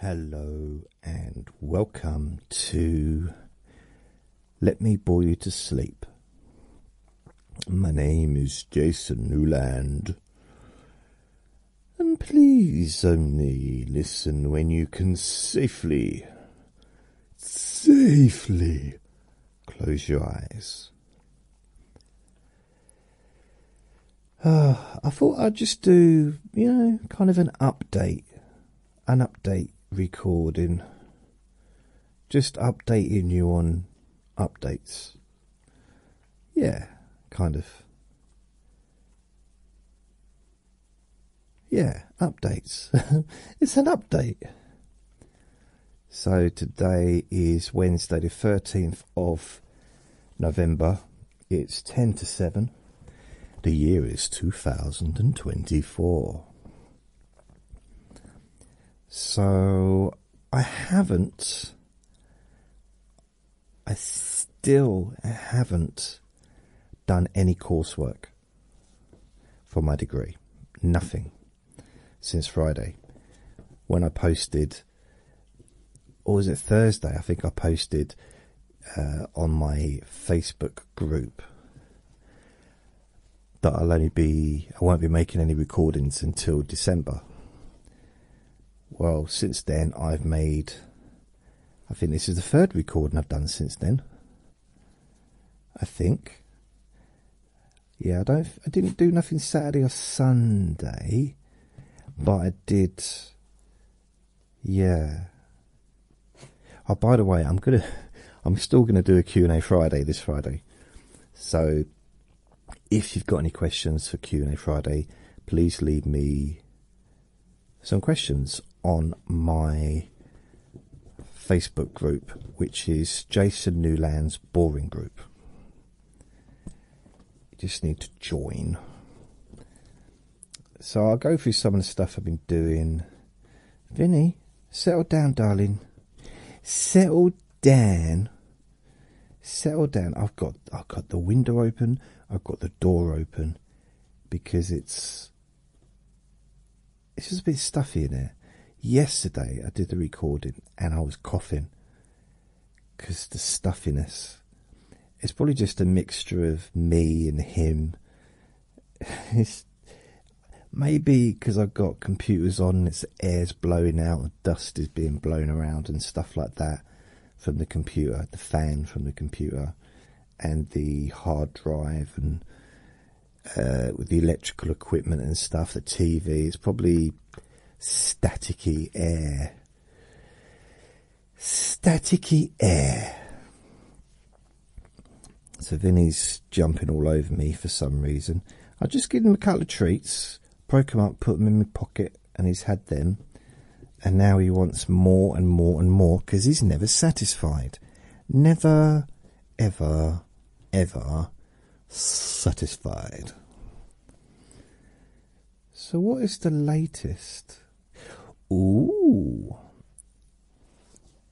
Hello and welcome to Let Me Bore You to Sleep. My name is Jason Newland, and please only listen when you can safely, safely close your eyes. Uh, I thought I'd just do, you know, kind of an update, an update recording, just updating you on updates. Yeah, kind of. Yeah, updates. it's an update. So today is Wednesday, the 13th of November it's 10 to 7. The year is 2024. So I haven't, I still haven't done any coursework for my degree. Nothing since Friday when I posted or was it Thursday? I think I posted uh, on my Facebook group that I'll only be, I won't be making any recordings until December. Well, since then I've made, I think this is the third recording I've done since then. I think. Yeah, I don't. I didn't do nothing Saturday or Sunday, but I did yeah. Oh, by the way, I'm gonna, I'm still gonna do a Q and A Friday this Friday. So, if you've got any questions for Q and A Friday, please leave me some questions on my Facebook group, which is Jason Newland's Boring Group. You just need to join. So I'll go through some of the stuff I've been doing. Vinny, settle down, darling. Settle down. Settle down. I've got I've got the window open. I've got the door open because it's it's just a bit stuffy in there. Yesterday I did the recording and I was coughing because the stuffiness it's probably just a mixture of me and him. it's maybe because I've got computers on, and it's air's blowing out, dust is being blown around, and stuff like that from the computer, the fan from the computer, and the hard drive, and uh, with the electrical equipment and stuff, the TV. It's probably staticky air staticky air. So Vinny's jumping all over me for some reason. I just give him a couple of treats, break 'em up, put 'em in my pocket, and he's had them. And now he wants more and more and more because he's never satisfied. Never, ever, ever satisfied. So, what is the latest? Ooh,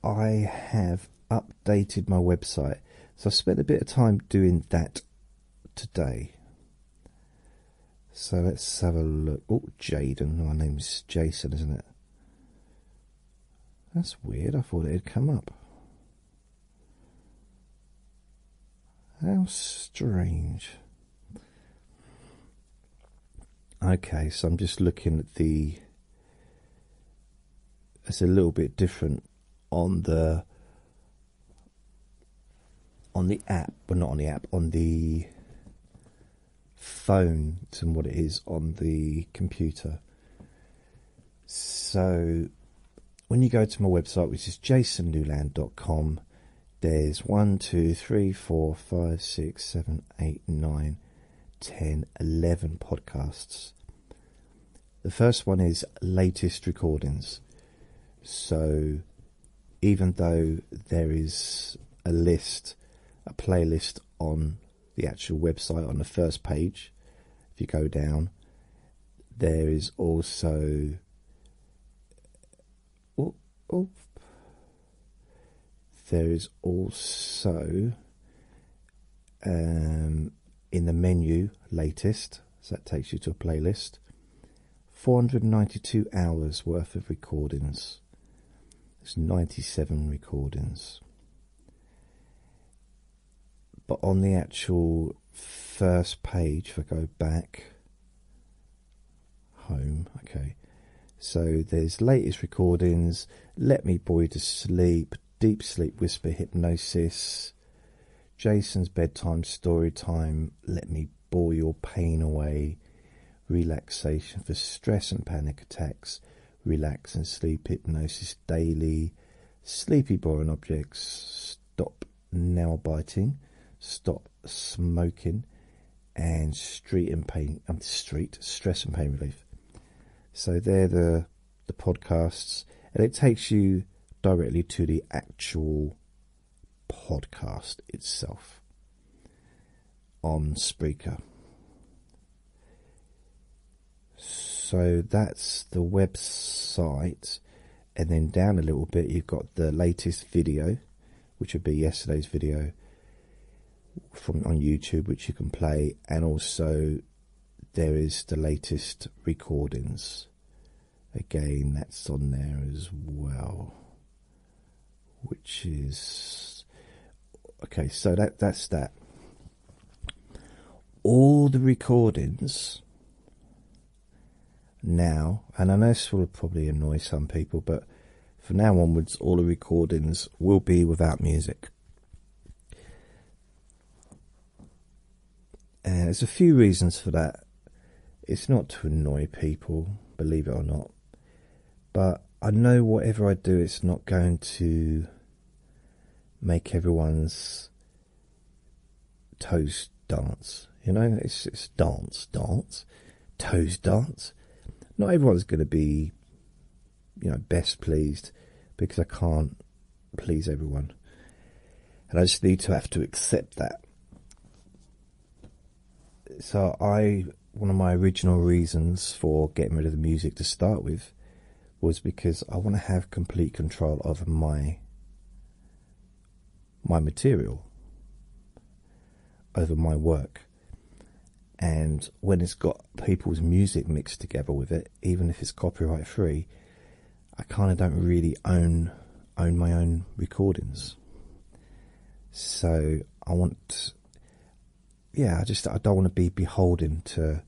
I have updated my website, so I spent a bit of time doing that today. So let's have a look. Oh, Jaden, my name is Jason, isn't it? That's weird. I thought it had come up. How strange. Okay, so I'm just looking at the. It's a little bit different on the on the app, but not on the app, on the phone than what it is on the computer. So when you go to my website, which is jasonnewland.com, there's 1, 2, 3, 4, 5, 6, 7, 8, 9, 10, 11 podcasts. The first one is latest recordings. So, even though there is a list, a playlist on the actual website on the first page, if you go down, there is also Oh, oh. There is also um, in the menu latest, so that takes you to a playlist. 492 hours worth of recordings. There's 97 recordings. But on the actual first page, if I go back, Home. Okay. So there's latest recordings. Let me bore you to sleep. Deep sleep whisper hypnosis. Jason's bedtime story time. Let me bore your pain away. Relaxation for stress and panic attacks. Relax and sleep hypnosis daily. Sleepy boring objects. Stop nail biting. Stop smoking and street and pain and um, street stress and pain relief so they're the the podcasts and it takes you directly to the actual podcast itself on speaker. So that's the website, and then down a little bit, you've got the latest video, which would be yesterday's video from on YouTube, which you can play, and also there is the latest recordings. Again, that's on there as well, which is okay. So that that's that. All the recordings now, and I know this will probably annoy some people, but from now onwards, all the recordings will be without music. Uh, there's a few reasons for that. It's not to annoy people, believe it or not, but I know whatever I do, it's not going to make everyone's toast dance. You know, it's it's dance, dance toes dance. Not everyone's going to be, you know, best pleased because I can't please everyone. And I just need to have to accept that. So I, one of my original reasons for getting rid of the music to start with was because I want to have complete control over my my material over my work and when it's got people's music mixed together with it, even if it's copyright free, I kind of don't really own own my own recordings. So I want, yeah, I just I don't want to be beholden to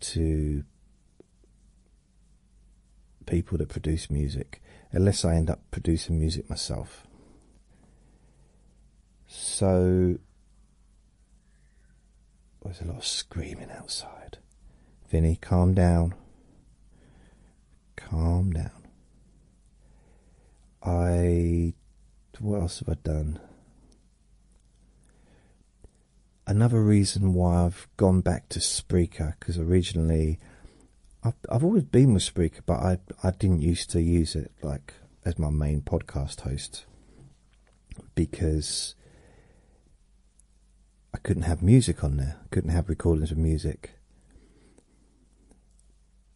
to people that produce music, unless I end up producing music myself. So there's a lot of screaming outside. Vinny, calm down. Calm down. I. What else have I done? Another reason why I've gone back to Spreaker because originally I've, I've always been with Spreaker, but I I didn't used to use it like as my main podcast host because I couldn't have music on there, couldn't have recordings of music.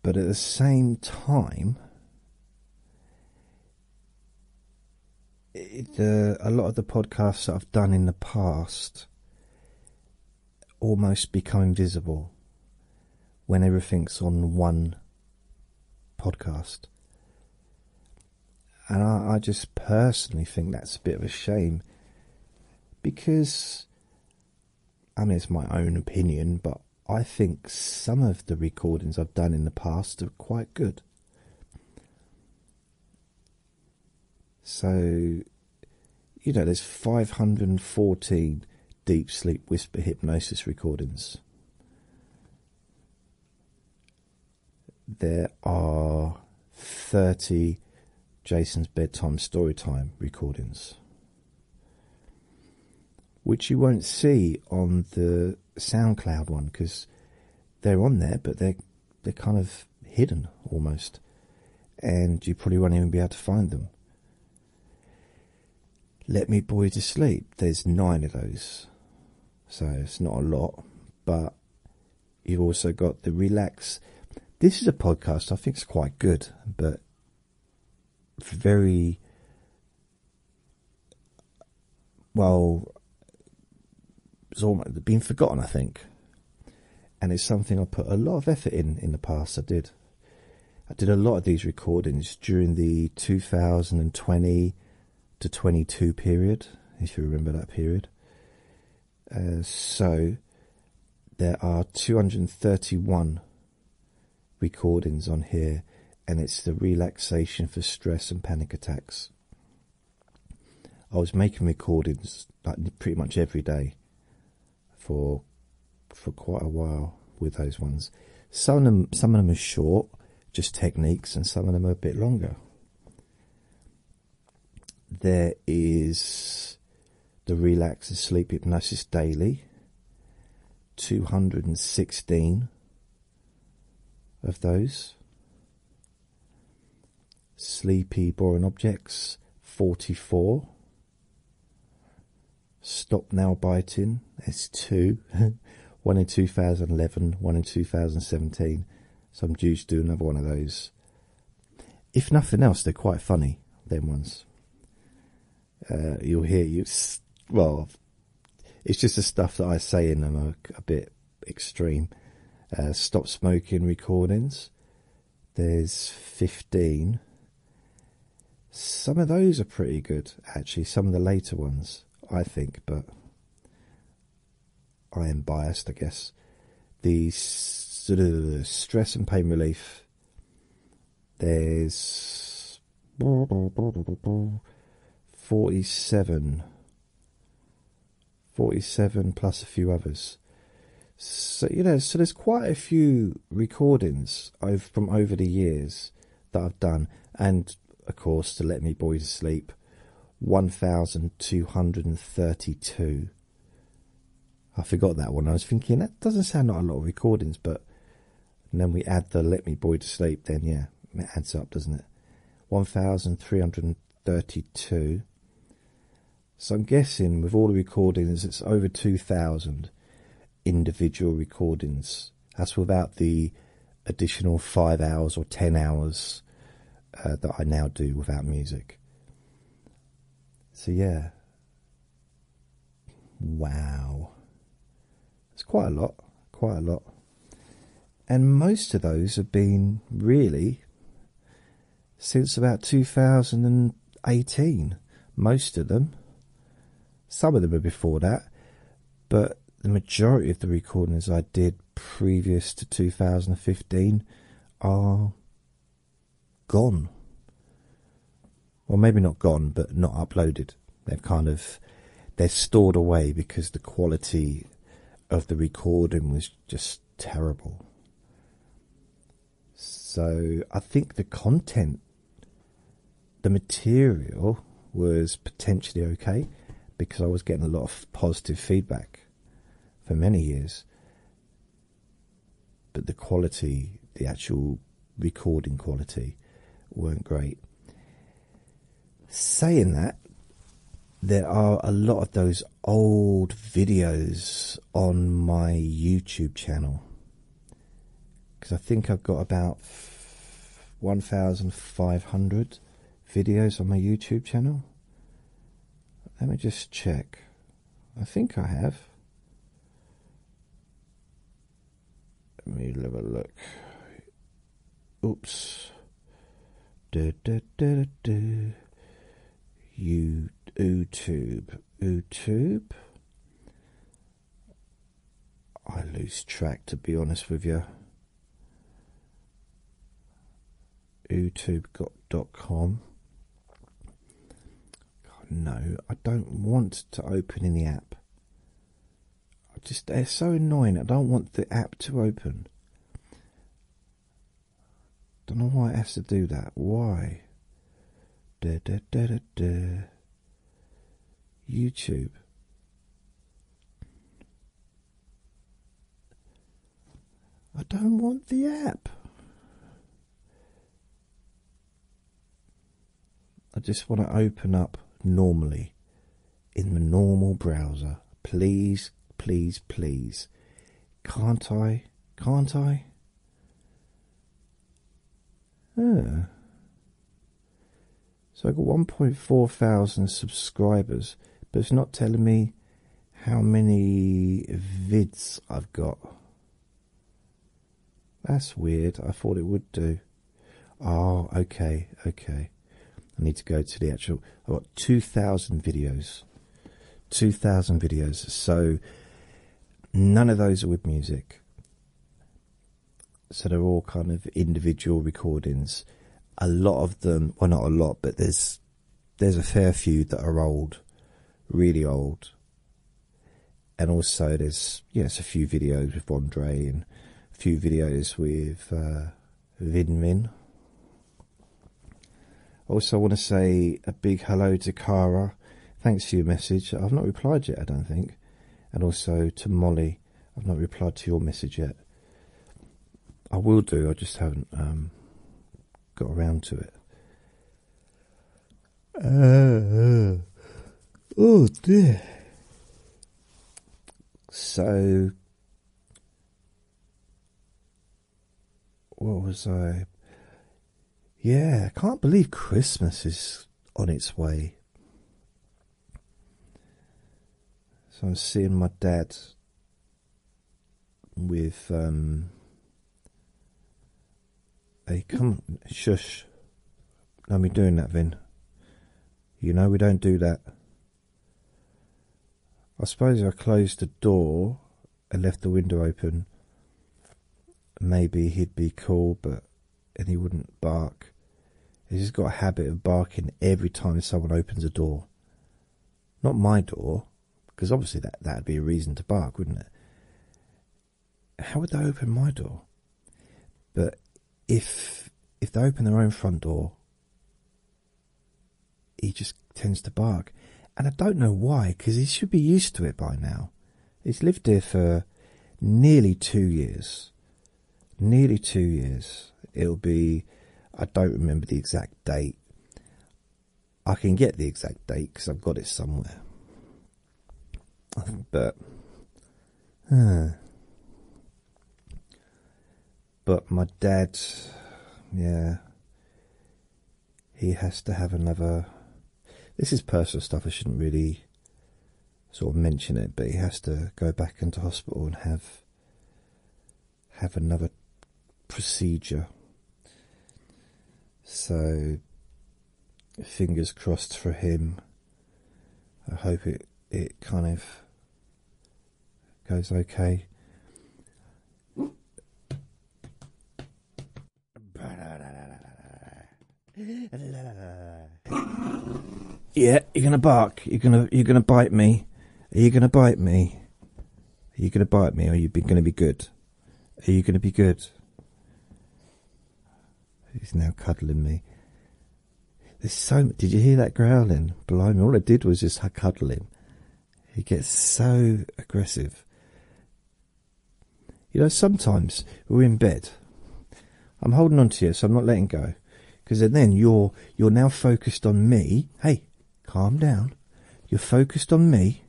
But at the same time, it, a lot of the podcasts that I've done in the past almost become invisible when everything's on one podcast. And I, just personally think that's a bit of a shame because, I mean, it's my own opinion, but I think some of the recordings I've done in the past are quite good. So, you know, there's 514 deep sleep whisper hypnosis recordings. There are 30 Jason's Bedtime Storytime recordings, which you won't see on the SoundCloud one because they're on there, but they're, they're kind of hidden almost, and you probably won't even be able to find them. Let me boy to sleep. There's nine of those, so it's not a lot, but you've also got the relax. This is a podcast I think it's quite good, but very well. It's almost been forgotten, I think, and it's something I put a lot of effort in in the past. I did. I did a lot of these recordings during the 2020 to 22 period, if you remember that period. Uh, so there are 231 recordings on here, and it's the relaxation for stress and panic attacks. I was making recordings like pretty much every day for for quite a while with those ones. Some of them, some of them are short, just techniques, and some of them are a bit longer. There is the Relax and Sleep Hypnosis Daily. 216 of those. Sleepy boring objects 44. Stop Now Biting, there's two. one in 2011, one in 2017. Some Jews do another one of those. If nothing else, they're quite funny, them ones. Uh, you'll hear you. Well, it's just the stuff that I say in them are a bit extreme. Uh, Stop Smoking recordings. There's 15. Some of those are pretty good, actually. Some of the later ones, I think, but I am biased, I guess. The sort of stress and pain relief. There's forty-seven, forty-seven plus a few others. So you know, so there's quite a few recordings from over the years that I've done, and of course to let me boy to sleep, one thousand two hundred and thirty-two. I forgot that one. I was thinking that doesn't sound like a lot of recordings, but then we add the let me boy to sleep. Then yeah, it adds up, doesn't it? One thousand three hundred and thirty-two. So I'm guessing with all the recordings, it's over two thousand individual recordings. as without the additional five hours or ten hours uh, that I now do without music. So, yeah. Wow. It's quite a lot, quite a lot. And most of those have been really since about 2018. Most of them. Some of them are before that, but the majority of the recordings I did previous to 2015 are gone. or maybe not gone, but not uploaded. they have kind of they're stored away because the quality of the recording was just terrible. So I think the content the material was potentially okay because I was getting a lot of positive feedback for many years. But the quality, the actual recording quality, weren't great. Saying that, there are a lot of those old videos on my YouTube channel because I think I've got about 1,500 videos on my YouTube channel. Let me just check. I think I have. Let me have a look. Oops. Da, da, da, da, You, YouTube. YouTube. I lose track, to be honest with you. YouTube.com. God, no, I don't want to open in the app. I just they so annoying. I don't want the app to open. Don't know why it has to do that. Why? YouTube. I don't want the app. I just want to open up normally in the normal browser. Please, please, please. Can't I? Can't I? Ah. So I got 1.4 thousand subscribers, but it's not telling me how many vids I've got. That's weird. I thought it would do. Oh, okay, okay. I need to go to the actual. I've got 2,000 videos. 2,000 videos. So none of those are with music so they're all kind of individual recordings. A lot of them, well, not a lot, but there's there's a fair few that are old, really old. And also there's yes a few videos with Andre and a few videos with uh, Also, I want to say a big hello to Kara. Thanks for your message. I've not replied yet, I don't think. And also to Molly. I've not replied to your message yet. I will do, I just haven't um, got around to it. Uh, oh dear. So, what was I? Yeah, I can't believe Christmas is on its way. So I'm seeing my dad with um, a come shush. Don't be doing that, Vin. You know we don't do that. I suppose if I closed the door and left the window open, maybe he'd be cool, but and he wouldn't bark. He's just got a habit of barking every time someone opens a door. Not my door, because obviously that that'd be a reason to bark, wouldn't it? How would they open my door? But if if they open their own front door, he just tends to bark, and I don't know why, because he should be used to it by now. He's lived here for nearly two years, nearly two years. It'll be, I don't remember the exact date. I can get the exact date because I've got it somewhere. But, but my dad, yeah, he has to have another. This is personal stuff. I shouldn't really sort of mention it, but he has to go back into hospital and have have another procedure. So fingers crossed for him. I hope it it kind of goes okay. Yeah, you're gonna bark. You're gonna you're gonna bite me. Are you gonna bite me? Are you gonna bite me, or you be, gonna be good? Are you gonna be good? He's now cuddling me. There's so. Did you hear that growling? me? All I did was just cuddle him. He gets so aggressive. You know, sometimes we're in bed. I'm holding on to you, so I'm not letting go because then you're you're now focused on me. Hey, calm down. You're focused on me.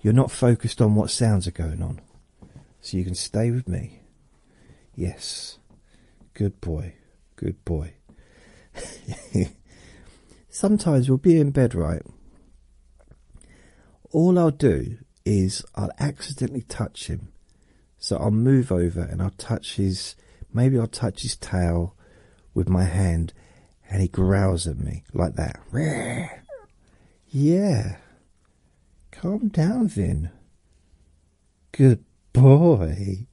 You're not focused on what sounds are going on. So you can stay with me. Yes. Good boy. Good boy. Sometimes we'll be in bed, right? All I'll do is I'll accidentally touch him so I'll move over and I'll touch his, maybe I'll touch his tail with my hand and he growls at me like that. Yeah. Calm down, Vin. Good boy.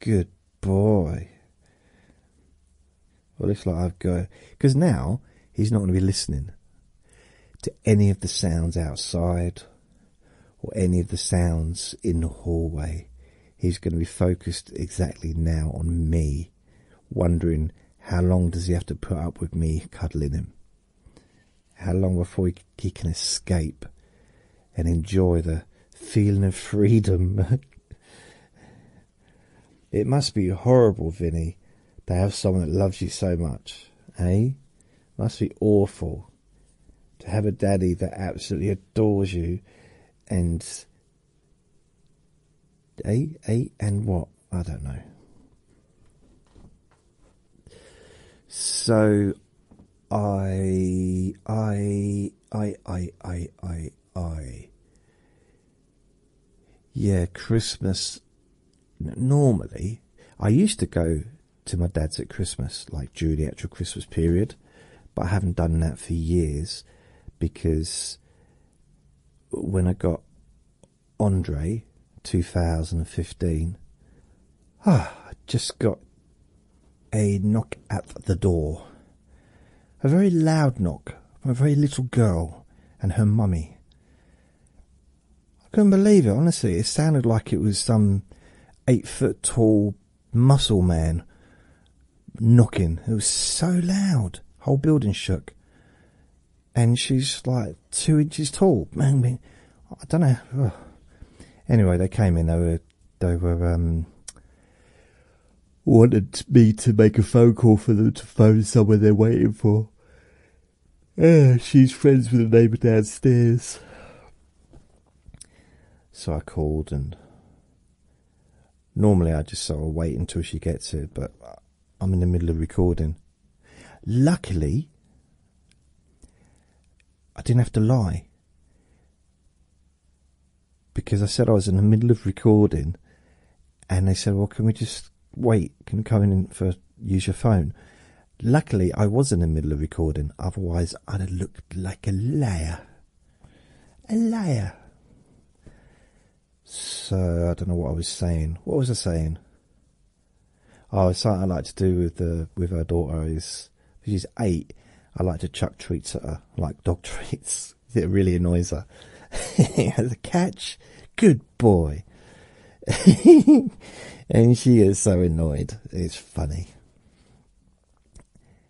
Good boy. Well, looks like I've got. Because now he's not going to be listening to any of the sounds outside or any of the sounds in the hallway. He's going to be focused exactly now on me, wondering how long does he have to put up with me cuddling him? How long before he, can escape and enjoy the feeling of freedom? it must be horrible, Vinny, to have someone that loves you so much, eh? Must be awful to have a daddy that absolutely adores you and a eh, and what I don't know. So I I I I I I yeah Christmas normally I used to go to my dad's at Christmas, like during the actual Christmas period. But I haven't done that for years because when I got Andre 2015, ah, I just got a knock at the door. A very loud knock from a very little girl and her mummy. I couldn't believe it, honestly. It sounded like it was some eight foot tall muscle man knocking. It was so loud. Whole building shook. And she's like two inches tall. Man, I, mean, I don't know. Anyway, they came in. They were, they were, um, wanted me to make a phone call for them to phone someone they're waiting for. Eh, she's friends with the neighbour downstairs. So I called, and normally I just sort of wait until she gets here, but I'm in the middle of recording. Luckily, I didn't have to lie because I said I was in the middle of recording, and they said, Well, can we just wait? Can come in and for, use your phone? Luckily, I was in the middle of recording, otherwise, I'd have looked like a liar. A liar. So, I don't know what I was saying. What was I saying? Oh, something I like to do with the with her daughter is, she's eight, I like to chuck treats at her, like dog treats. It really annoys her. As a catch, good boy. and she is so annoyed. It's funny.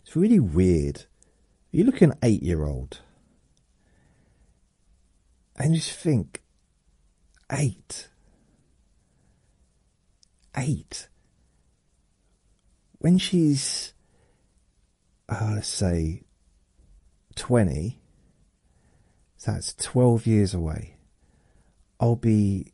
It's really weird. You look at an eight year old and just think eight. Eight. When she's, uh, let's say, 20, that's 12 years away. I'll be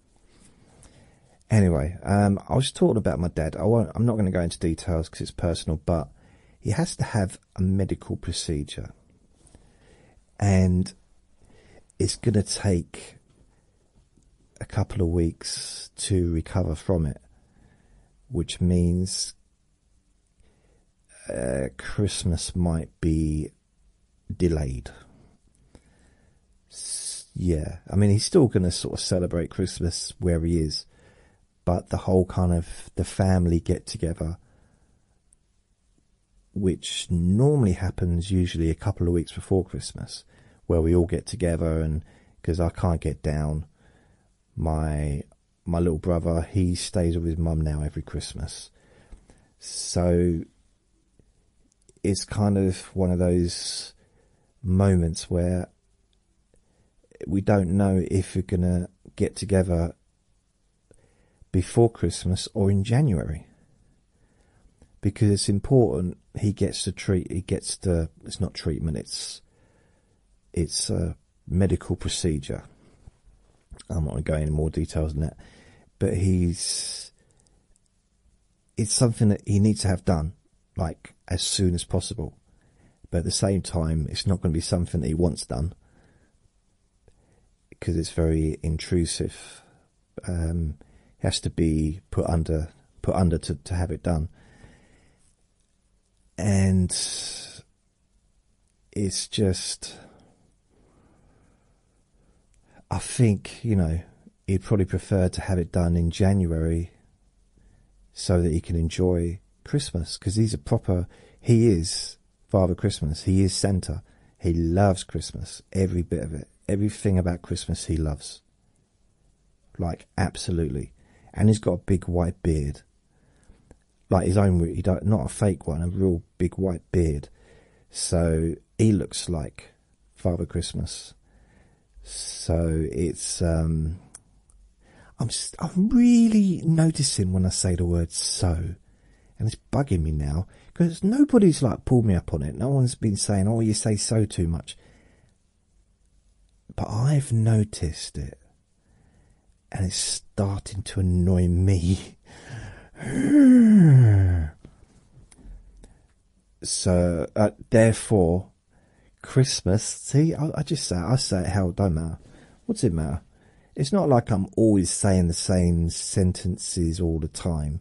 Anyway, um, I was just talking about my dad. I am not going to go into details because it's personal, but he has to have a medical procedure, and it's going to take a couple of weeks to recover from it, which means uh, Christmas might be delayed yeah, I mean, he's still going to sort of celebrate Christmas where he is, but the whole kind of the family get together, which normally happens usually a couple of weeks before Christmas, where we all get together and because I can't get down, my my little brother he stays with his mum now every Christmas, so it's kind of one of those moments where we don't know if we're going to get together before Christmas or in January. Because it's important he gets the treat, he gets the, it's not treatment, it's, it's a medical procedure. I'm not going to go into more details than that. But he's it's something that he needs to have done, like as soon as possible. But at the same time, it's not going to be something that he wants done because it's very intrusive. Um, it has to be put under, put under to have it done, and it's just. I think you know he'd probably prefer to have it done in January so that he can enjoy Christmas because he's a proper, he is Father Christmas, he is Santa. He loves Christmas, every bit of it, everything about Christmas he loves. Like, absolutely. And he's got a big white beard. Like his own, he not a fake one, a real big white beard. So he looks like Father Christmas. So it's um I'm just, I'm really noticing when I say the word so and it's bugging me now because nobody's like pulled me up on it. No one's been saying, "Oh, you say so too much." But I've noticed it. And it's starting to annoy me. so, uh, therefore, Christmas. See, I, just say I say it how it don't matter. What's it matter? It's not like I'm always saying the same sentences all the time.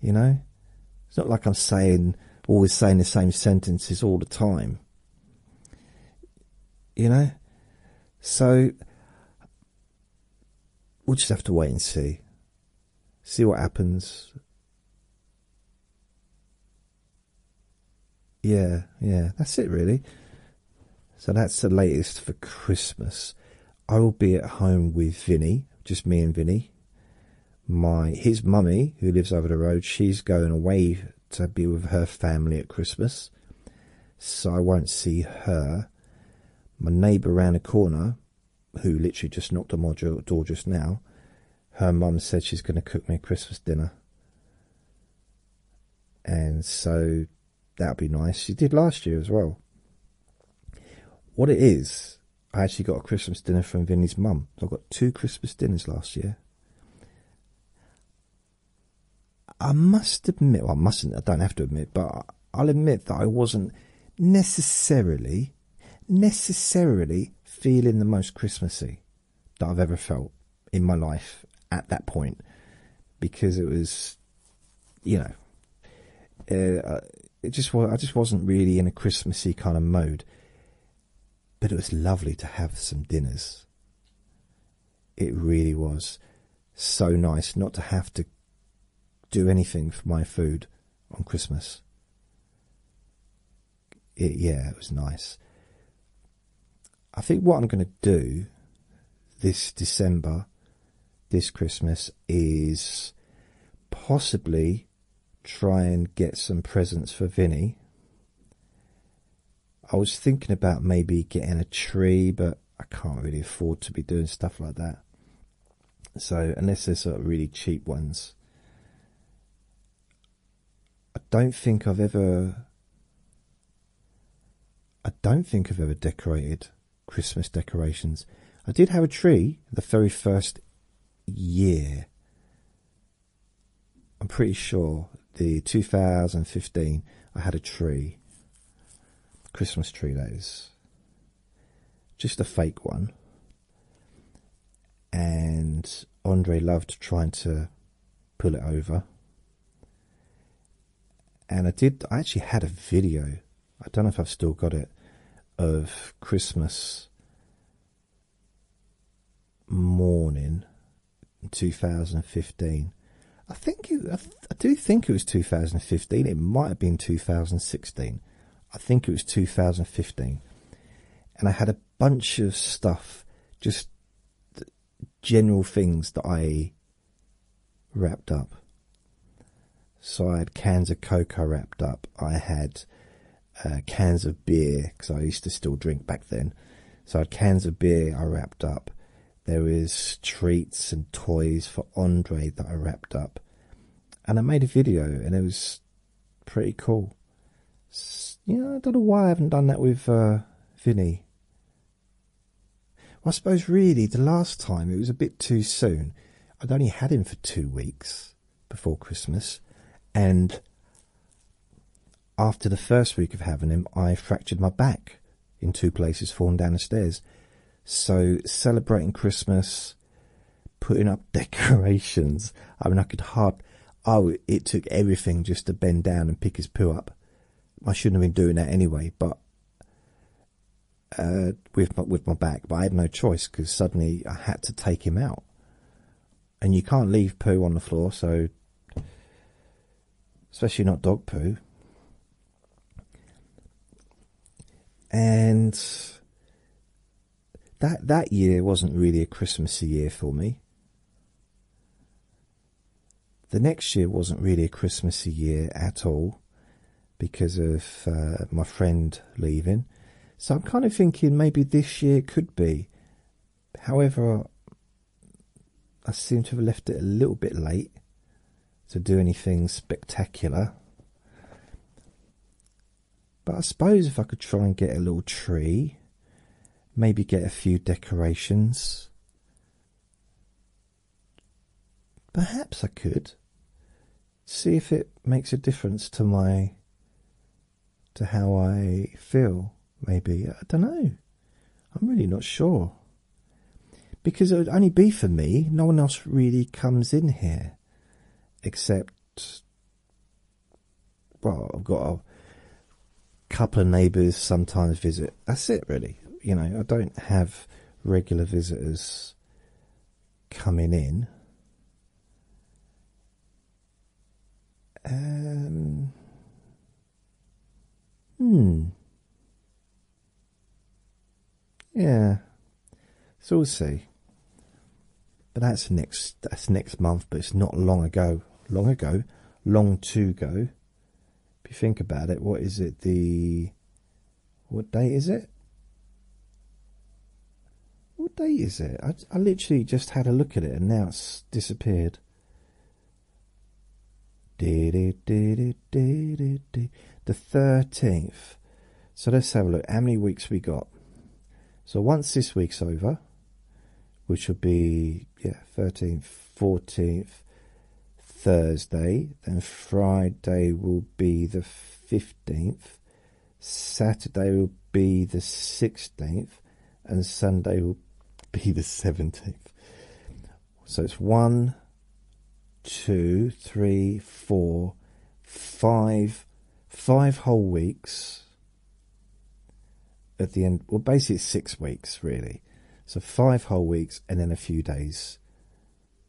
You know, it's not like I'm saying always saying the same sentences all the time. You know, so we'll just have to wait and see see what happens. Yeah, yeah, that's it really. So that's the latest for Christmas. I will be at home with Vinny, just me and Vinny. My his mummy, who lives over the road, she's going away to be with her family at Christmas. So I won't see her. My neighbour round the corner, who literally just knocked on my door just now, her mum said she's going to cook me a Christmas dinner. And so that would be nice. She did last year as well. What it is, I actually got a Christmas dinner from Vinny's mum. So I got two Christmas dinners last year. I must admit, I mustn't, I don't have to admit, but I'll admit that I wasn't necessarily necessarily feeling the most Christmassy that I've ever felt in my life at that point because it was, you know, uh, it just I just wasn't really in a Christmassy kind of mode. But it was lovely to have some dinners. It really was so nice not to have to do anything for my food on Christmas yeah, it was nice. I think what I'm going to do this December, this Christmas, is possibly try and get some presents for Vinny. I was thinking about maybe getting a tree, but I can't really afford to be doing stuff like that. So, unless there's sort of really cheap ones, I don't think I've ever. I don't think I've ever decorated Christmas decorations. I did have a tree the very first year. I'm pretty sure the 2015 I had a tree. Christmas tree that is. Just a fake one and Andre loved trying to pull it over. And I did, I actually had a video, I don't know if I've still got it, of Christmas morning 2015. I think I do think it was 2015, it might have been 2016. I think it was 2015. And I had a bunch of stuff, just general things that I wrapped up. So I had cans of cocoa wrapped up. I had uh, cans of beer because I used to still drink back then. So I had cans of beer I wrapped up. There is treats and toys for Andre that I wrapped up, and I made a video, and it was Pretty cool. You know, I don't know why I haven't done that with uh, Vinny. I suppose really the last time it was a bit too soon. I'd only had him for two weeks before Christmas, and after the first week of having him, I fractured my back in two places, falling down the stairs. So celebrating Christmas putting up decorations. I mean, I could hard. Oh, it took everything just to bend down and pick his poo up. I shouldn't have been doing that anyway, but uh, with my, with my back, but I had no choice because suddenly I had to take him out, and you can't leave poo on the floor, so especially not dog poo. And that that year wasn't really a Christmassy year for me. The next year wasn't really a Christmassy year at all because of uh, my friend leaving. So I'm kind of thinking maybe this year could be. However, I seem to have left it a little bit late to do anything spectacular. But I suppose if I could try and get a little tree, maybe get a few decorations. Perhaps I could see if it makes a difference to my to how I feel. Maybe I don't know. I'm really not sure because it would only be for me. No one else really comes in here except well, I've got a couple of neighbours sometimes visit. That's it, really. You know, I don't have regular visitors coming in. Um, hmm. Yeah. So we'll see but that's next that's next month but it's not long ago long ago long to go if you think about it what is it the what date is it what date is it i, I literally just had a look at it and now it's disappeared the 13th so let's have a look how many weeks we got so once this week's over which will be yeah 13th 14th thursday then friday will be the 15th saturday will be the 16th and sunday will be the 17th so it's one two three four five five whole weeks at the end, well, basically six weeks really, so five whole weeks and then a few days,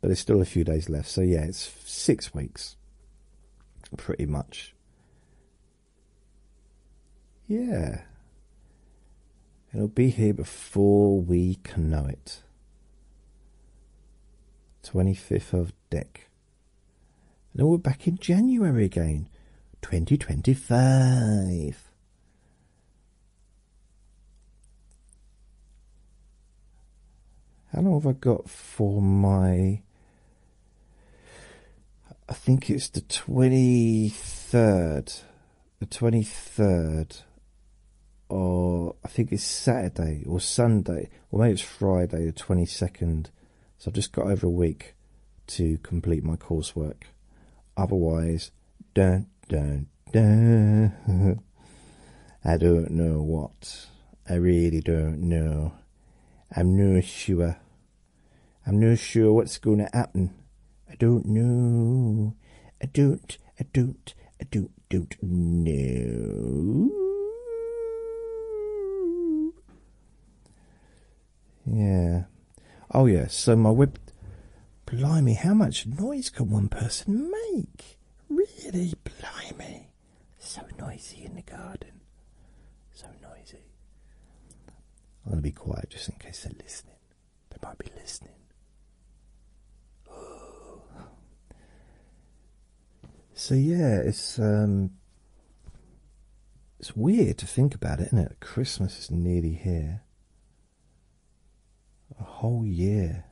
but there's still a few days left. So yeah, it's six weeks, pretty much. Yeah, it'll be here before we can know it. 25th of Dec. And then we're back in January again, 2025. How long have I got for my. I think it's the 23rd. The 23rd. Or I think it's Saturday or Sunday. Or maybe it's Friday the 22nd so I've just got over a week to complete my coursework. Otherwise, dun, dun, dun. I don't know what. I really don't know. I'm no sure. I'm no sure what's going to happen. I don't know. I don't. I don't. I don't. Don't know. Yeah. Oh yeah. So my web. Blimey, how much noise can one person make? Really, blimey. So noisy in the garden. So noisy. I'm gonna be quiet just in case they're listening. They might be listening. So yeah, it's um it's weird to think about it, isn't it? Christmas is nearly here. A whole year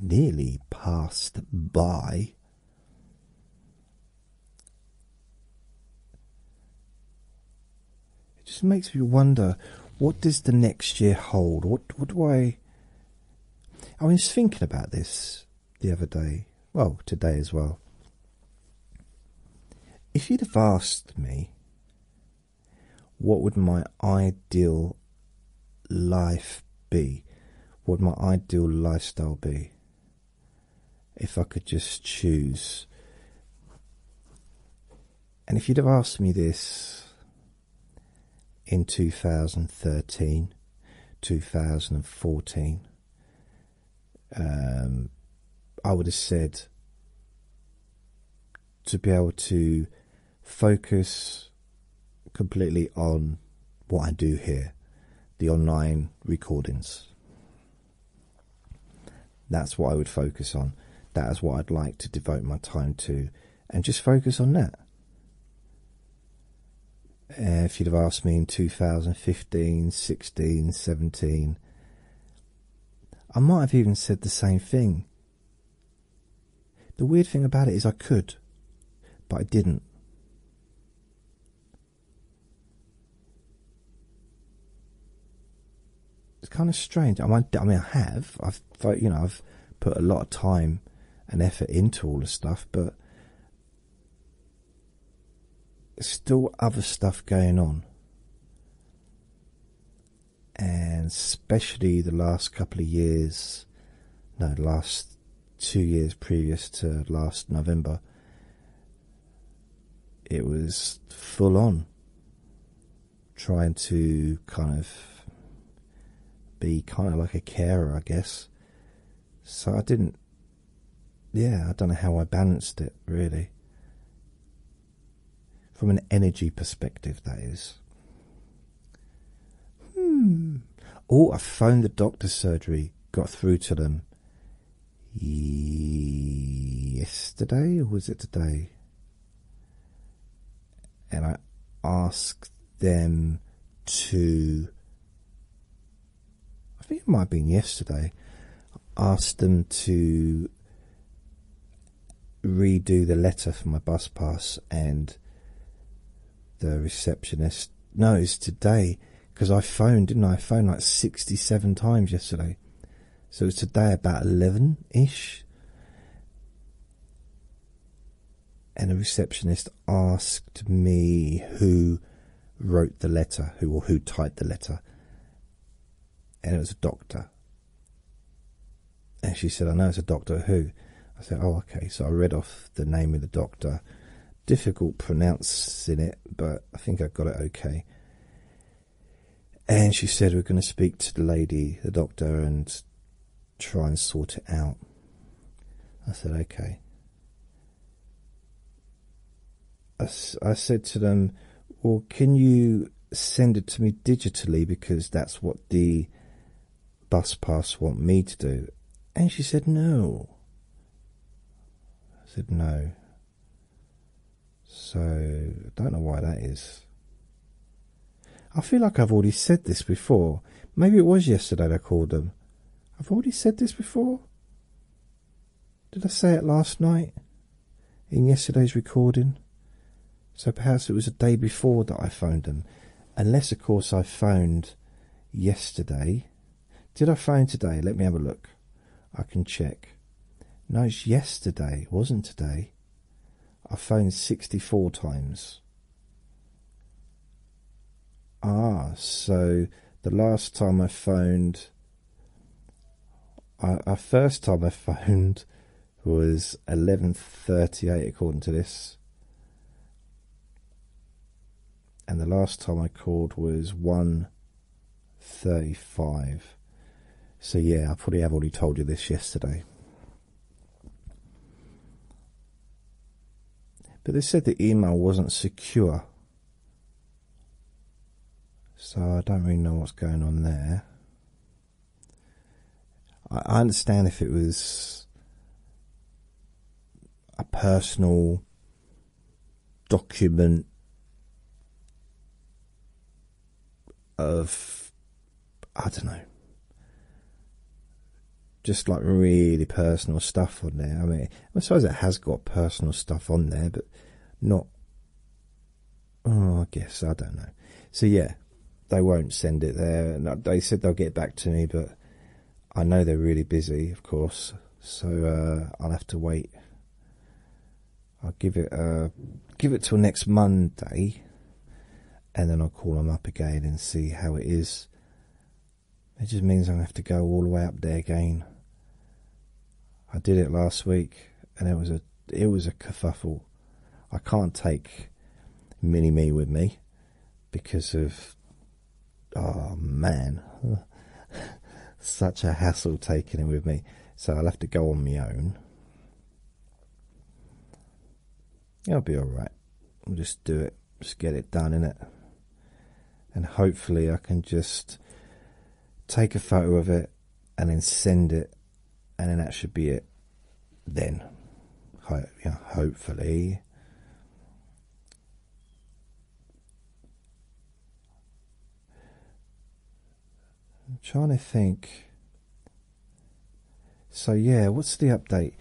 nearly passed by. It just makes me wonder what does the next year hold? What what do I I was thinking about this the other day well, today as well. If you'd have asked me what would my ideal life be, what my ideal lifestyle be, if I could just choose. And if you'd have asked me this in 2013, 2014, um, I would have said to be able to focus completely on what I do here, the online recordings. That's what I would focus on. That is what I'd like to devote my time to, and just focus on that. Uh, if you'd have asked me in 2015, 16, 17, I might have even said the same thing. The weird thing about it is I could, but I didn't. It's kind of strange. I mean, I have. I've, you know, I've put a lot of time and effort into all this stuff, but there's still other stuff going on. And especially the last couple of years, no, last two years previous to last November, it was full on trying to kind of be kind of like a carer, I guess, so I didn't. Yeah, I don't know how I balanced it really. From an energy perspective, that is. Hmm. Oh, I phoned the doctor's surgery, got through to them yesterday, or was it today? And I asked them to I think it might have been yesterday. Asked them to redo the letter for my bus pass, and the receptionist knows today because I phoned, didn't I? I phoned like 67 times yesterday, so it's today about 11 ish. And the receptionist asked me who wrote the letter, who or who typed the letter, and it was a doctor. And she said, I know it's a Doctor Who. I said, Oh, okay. So I read off the name of the doctor. Difficult pronouncing it, but I think I got it okay. And she said, We're going to speak to the lady, the doctor, and try and sort it out. I said, Okay. I, said to them, well, can you send it to me digitally because that's what the bus pass want me to do? And she said, no. I said, no. So, I don't know why that is. I feel like I've already said this before. Maybe it was yesterday I called them. I've already said this before? Did I say it last night? In yesterday's recording? So perhaps it was the day before that I phoned them. Unless, of course, I phoned yesterday. Did I phone today? Let me have a look. I can check. No, it's yesterday. It wasn't today. I phoned 64 times. Ah, so the last time I phoned our, first time I found was 11.38 according to this. And the last time I called was one thirty five. So yeah, I probably have already told you this yesterday. But they said the email wasn't secure. So I don't really know what's going on there. I understand if it was a personal document of, I don't know, just like really personal stuff on there. I mean, I suppose it has got personal stuff on there, but not Oh, I guess I don't know. So yeah, they won't send it there. they said they'll get back to me, but I know they're really busy, of course. So uh, I'll have to wait. I'll give it uh, give it till next Monday, and then I'll call them up again and see how it is. It just means I'm have to go all the way up there again. I did it last week, and it was a it was a kerfuffle. I can't take mini me with me because of oh man, such a hassle taking it with me. So I'll have to go on my own. It'll be all right. We'll just do it, just get it done in it, and hopefully I can just take a photo of it and then send it and then that should be it then hopefully i'm trying to think so yeah what's the update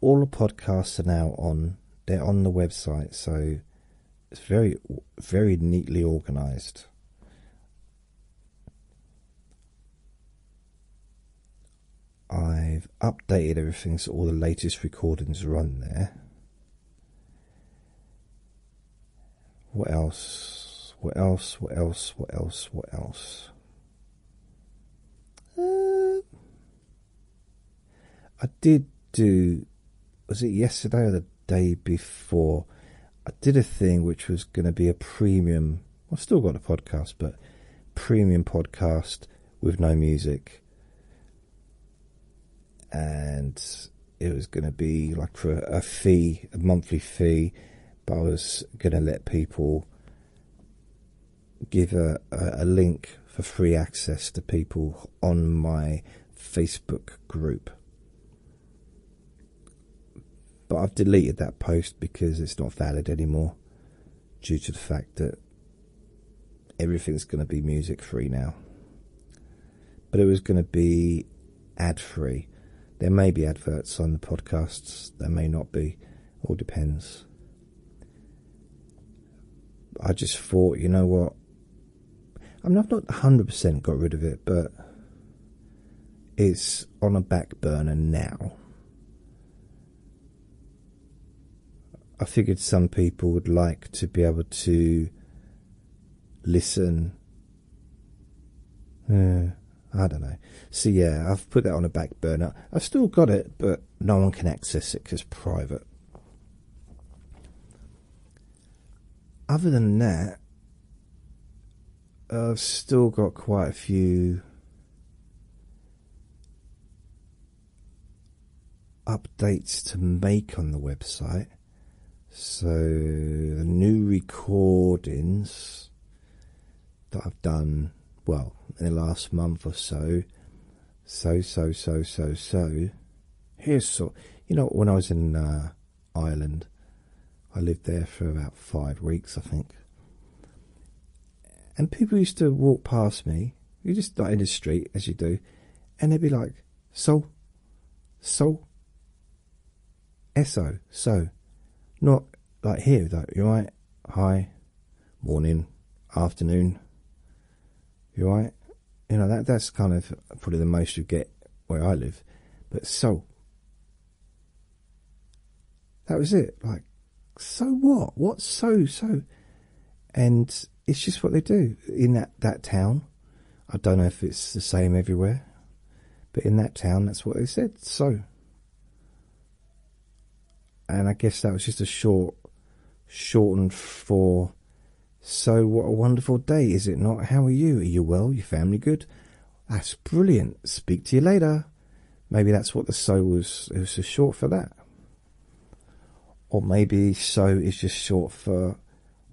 all the podcasts are now on they're on the website so it's very, very neatly organized. I've updated everything so all the latest recordings run there. What else? What else? What else? What else? What else? Uh, I did do was it yesterday or the day before? I did a thing which was going to be a premium. I've still got a podcast, but premium podcast with no music, and it was going to be like for a fee, a monthly fee. But I was going to let people give a, a link for free access to people on my Facebook group. But I've deleted that post because it's not valid anymore due to the fact that everything's going to be music free now. But it was going to be ad free. There may be adverts on the podcasts, there may not be, all depends. I just thought, you know what? I mean, I've not 100% got rid of it, but it's on a back burner now. I figured some people would like to be able to listen. I don't know. So, yeah, I've put that on a back burner. I've still got it, but no one can access it because private other than that, I've still got quite a few updates to make on the website. So, the new recordings that I've done, well, in the last month or so, so, so, so, so, so. Here's so, you know, when I was in uh, Ireland. I lived there for about five weeks, I think. And people used to walk past me, you just like in the street as you do, and they'd be like, so, so, eso, so, not like here, like, you right? Hi, morning, afternoon, you right? you know that that's kind of probably the most you get where I live, but so that was it. Like, so what? What's so so? And it's just what they do in that that town. I don't know if it's the same everywhere, but in that town, that's what they said. So, and I guess that was just a short, shortened for so, what a wonderful day, is it not? How are you? Are you well? Your family good? That's brilliant. Speak to you later. Maybe that's what the so was, it was just short for that. Or maybe so is just short for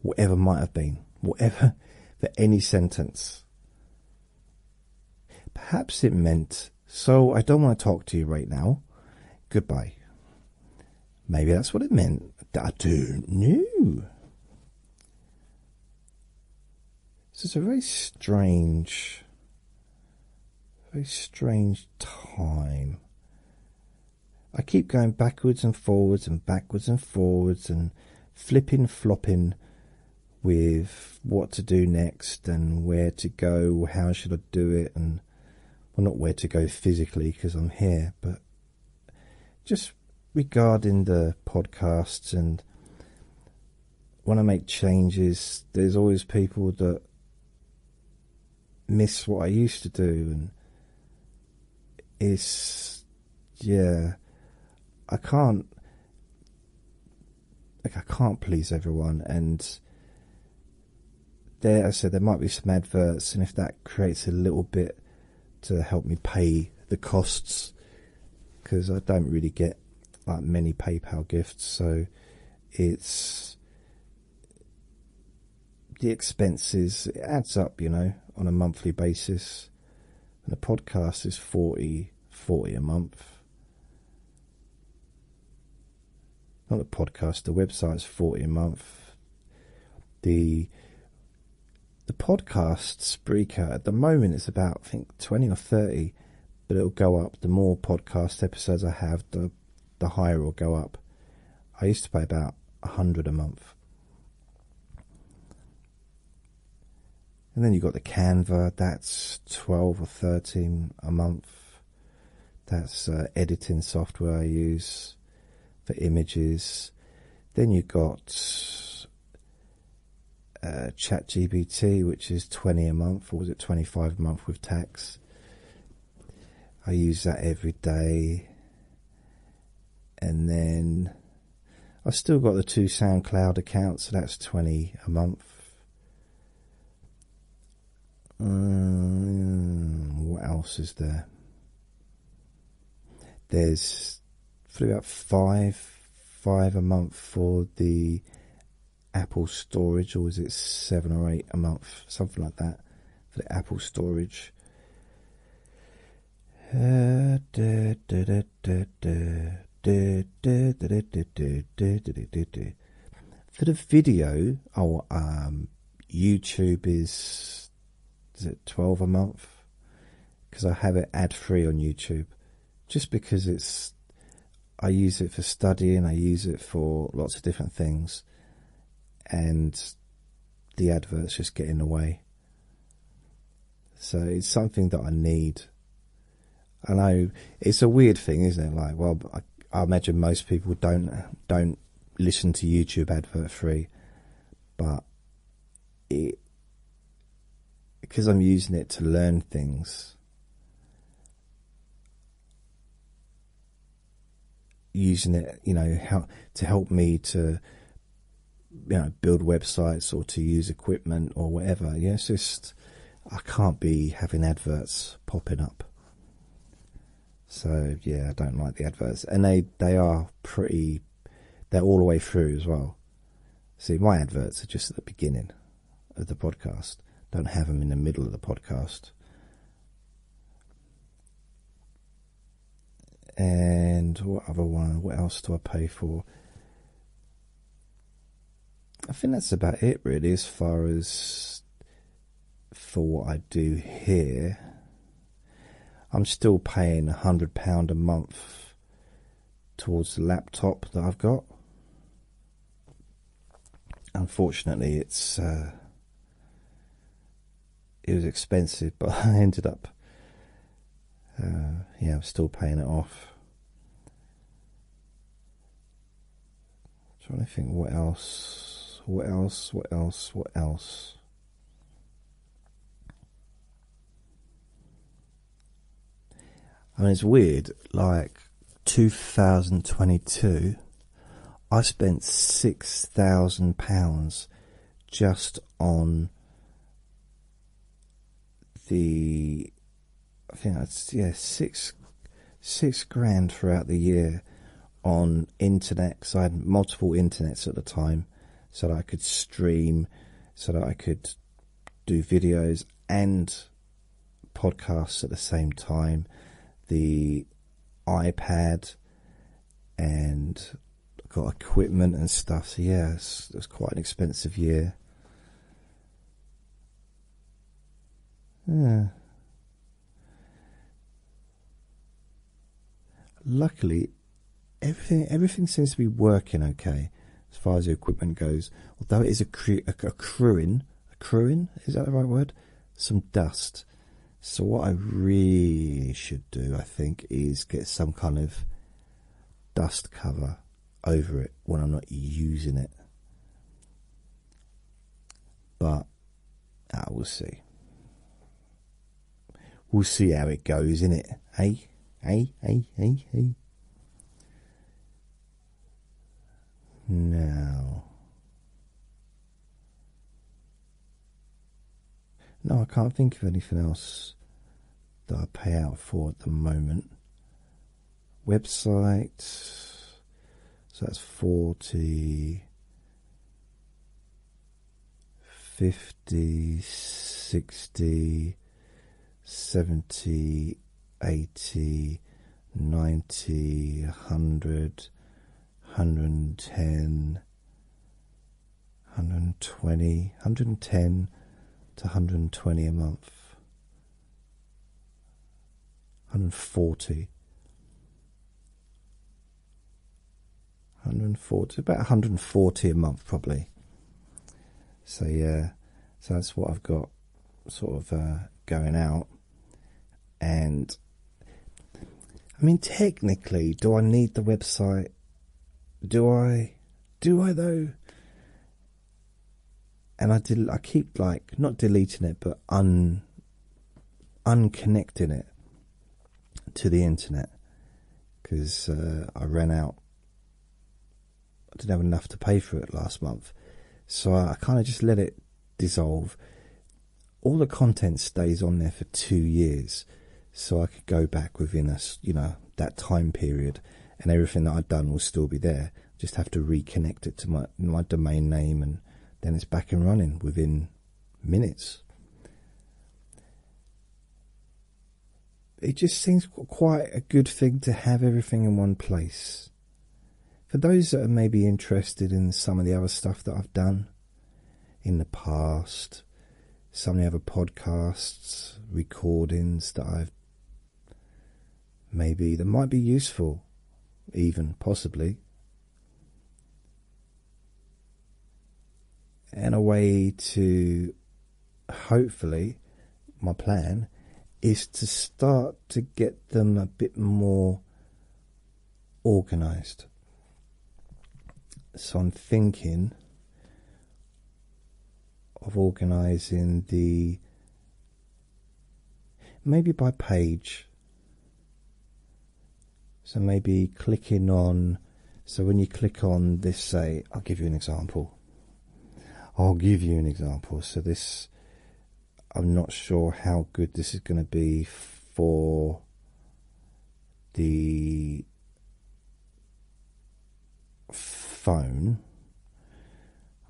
whatever might have been, whatever, for any sentence. Perhaps it meant, so I don't want to talk to you right now. Goodbye. Maybe that's what it meant. I do know. This is a very strange, very strange time. I keep going backwards and forwards and backwards and forwards and flipping, flopping with what to do next and where to go, how should I do it, and well, not where to go physically because I'm here, but just regarding the podcasts and when I make changes, there's always people that miss what I used to do, and it's yeah, I can't like I can't please everyone, and there I said there might be some adverts, and if that creates a little bit to help me pay the costs because I don't really get like many PayPal gifts, so it's the expenses it adds up, you know, on a monthly basis. And the podcast is 40 40 a month. Not the podcast, the website is 40 a month. The the podcast Spreaker at the moment it's about I think twenty or thirty, but it'll go up. The more podcast episodes I have, the the higher it'll go up. I used to pay about a hundred a month. And then you've got the Canva, that's 12 or 13 a month. That's uh, editing software I use for images. Then you've got uh, ChatGPT, which is 20 a month, or was it 25 a month with tax? I use that every day. And then I've still got the two SoundCloud accounts, so that's 20 a month. Mm, what else is there? There's probably about five, five a month for the Apple storage, or is it seven or eight a month, something like that, for the Apple storage. for the video, oh, um, YouTube is is it 12 a month because I have it ad free on YouTube just because it's I use it for studying, I use it for lots of different things, and the adverts just get in the way. So it's something that I need. I know it's a weird thing, isn't it? Like, well, I, I imagine most people don't don't listen to YouTube advert free, but it because I'm using it to learn things. Using it, you know, how to help me to, you know, build websites or to use equipment or whatever. You just I can't be having adverts popping up. So yeah, I don't like the adverts, and they they are pretty they're all the way through as well. See, my adverts are just at the beginning of the podcast. Don't have them in the middle of the podcast. And what other one? What else do I pay for? I think that's about it, really, as far as for what I do here. I'm still paying a hundred pound a month towards the laptop that I've got. Unfortunately, it's uh, it was expensive, but I ended up uh, yeah, I'm still paying it off. trying to think, what else? What else? What else? What else? I mean, it's weird. Like 2022, I spent six thousand pounds just on the. I think that's yeah six six grand throughout the year on internet. Cause I had multiple internets at the time, so that I could stream so that I could do videos and podcasts at the same time. The iPad and got equipment and stuff. So, yeah, it was quite an expensive year. Luckily, everything everything seems to be working okay as far as the equipment goes. Although it is accru accruing, accruing is that the right word? Some dust. So what I really should do, I think, is get some kind of dust cover over it when I'm not using it. But I ah, will see. We'll see how it goes, innit? Hey, hey, hey, hey, hey. Now. No, I can't think of anything else that I pay out for at the moment. Website, so that's 40 fifty, sixty, seventy, eighty, ninety, hundred, hundred and ten, hundred and twenty, hundred and ten to hundred and twenty a month. 140 140 about 140 a month probably so yeah so that's what i've got sort of uh, going out and i mean technically do i need the website do i do i though and i did i keep like not deleting it but un unconnecting it to the internet because uh, i ran out I didn't have enough to pay for it last month, so I kind of just let it dissolve. All the content stays on there for two years, so I could go back within a you know that time period, and everything that I'd done will still be there. Just have to reconnect it to my my domain name, and then it's back and running within minutes it just seems quite a good thing to have everything in one place. For those that are maybe interested in some of the other stuff that I've done in the past, some of the other podcasts, recordings that I've maybe that might be useful, even possibly, and a way to hopefully, my plan is to start to get them a bit more organized. So I'm thinking of organizing the maybe by page. So maybe clicking on so when you click on this, say, I'll give you an example. I'll give you an example. So this, I'm not sure how good this is going to be for the phone.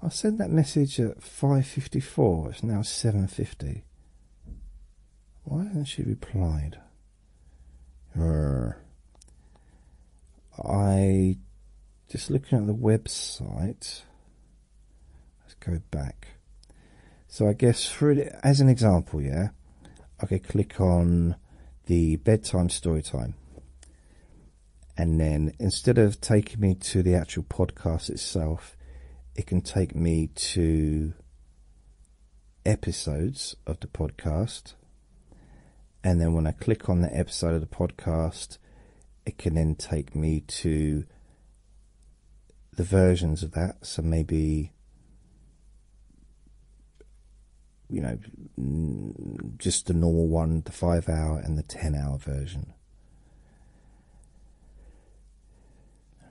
I sent that message at 5.54. It's now 7.50. Why hasn't she replied? I just looking at the website. Let's go back. So I guess for as an example, yeah, I can click on the bedtime story time, and then instead of taking me to the actual podcast itself, it can take me to episodes of the podcast and then when I click on the episode of the podcast, it can then take me to the versions of that. So maybe, you know, just the normal one, the five hour and the ten hour version.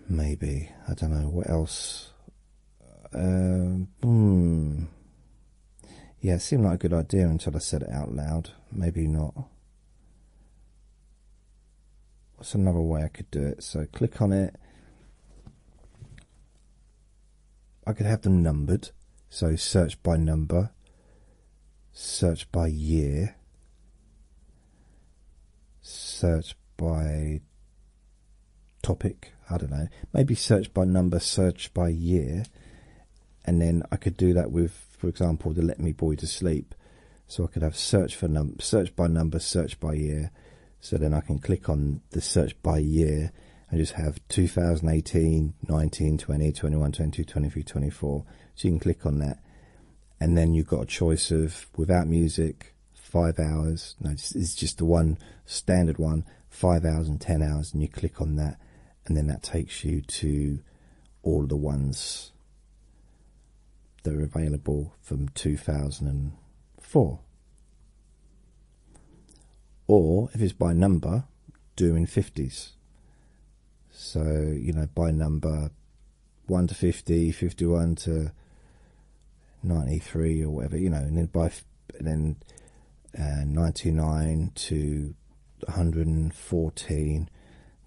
Maybe I don't know what else. Uh, hmm. Yeah, it seemed like a good idea until I said it out loud. Maybe not. What's another way I could do it? So click on it. I could have them numbered. So search by number, search by year, search by topic, I don't know, maybe search by number, search by year, and then I could do that with, for example, the Let Me Boy to Sleep. So I could have search for num search by number, search by year. So then I can click on the search by year and just have 2018, 19, 20, 21, 22, 23, 24. So you can click on that. And then you've got a choice of without music, five hours. No, it's just the one standard one five hours and ten hours, and you click on that, and then that takes you to all the ones that are available from 2004. Or if it's by number, do in 50s. So, you know, by number 1 to 50, 51 to 93 or whatever, you know, and then by and then uh, 99 to 114,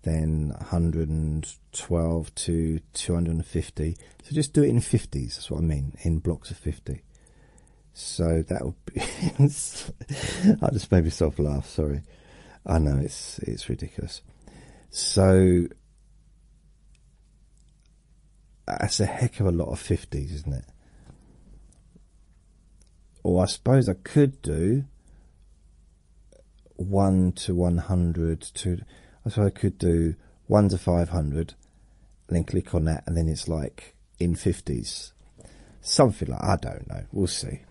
then 112 to 250. So just do it in 50s, that's what I mean, in blocks of 50. So that would be. I just made myself laugh, sorry. I know it's it's ridiculous. So that's a heck of a lot of 50s, isn't it? or I suppose I could do one to one hundred to I suppose I could do one to five hundred, then click on that, and then it's like in fifties, something like I don't know. We'll see.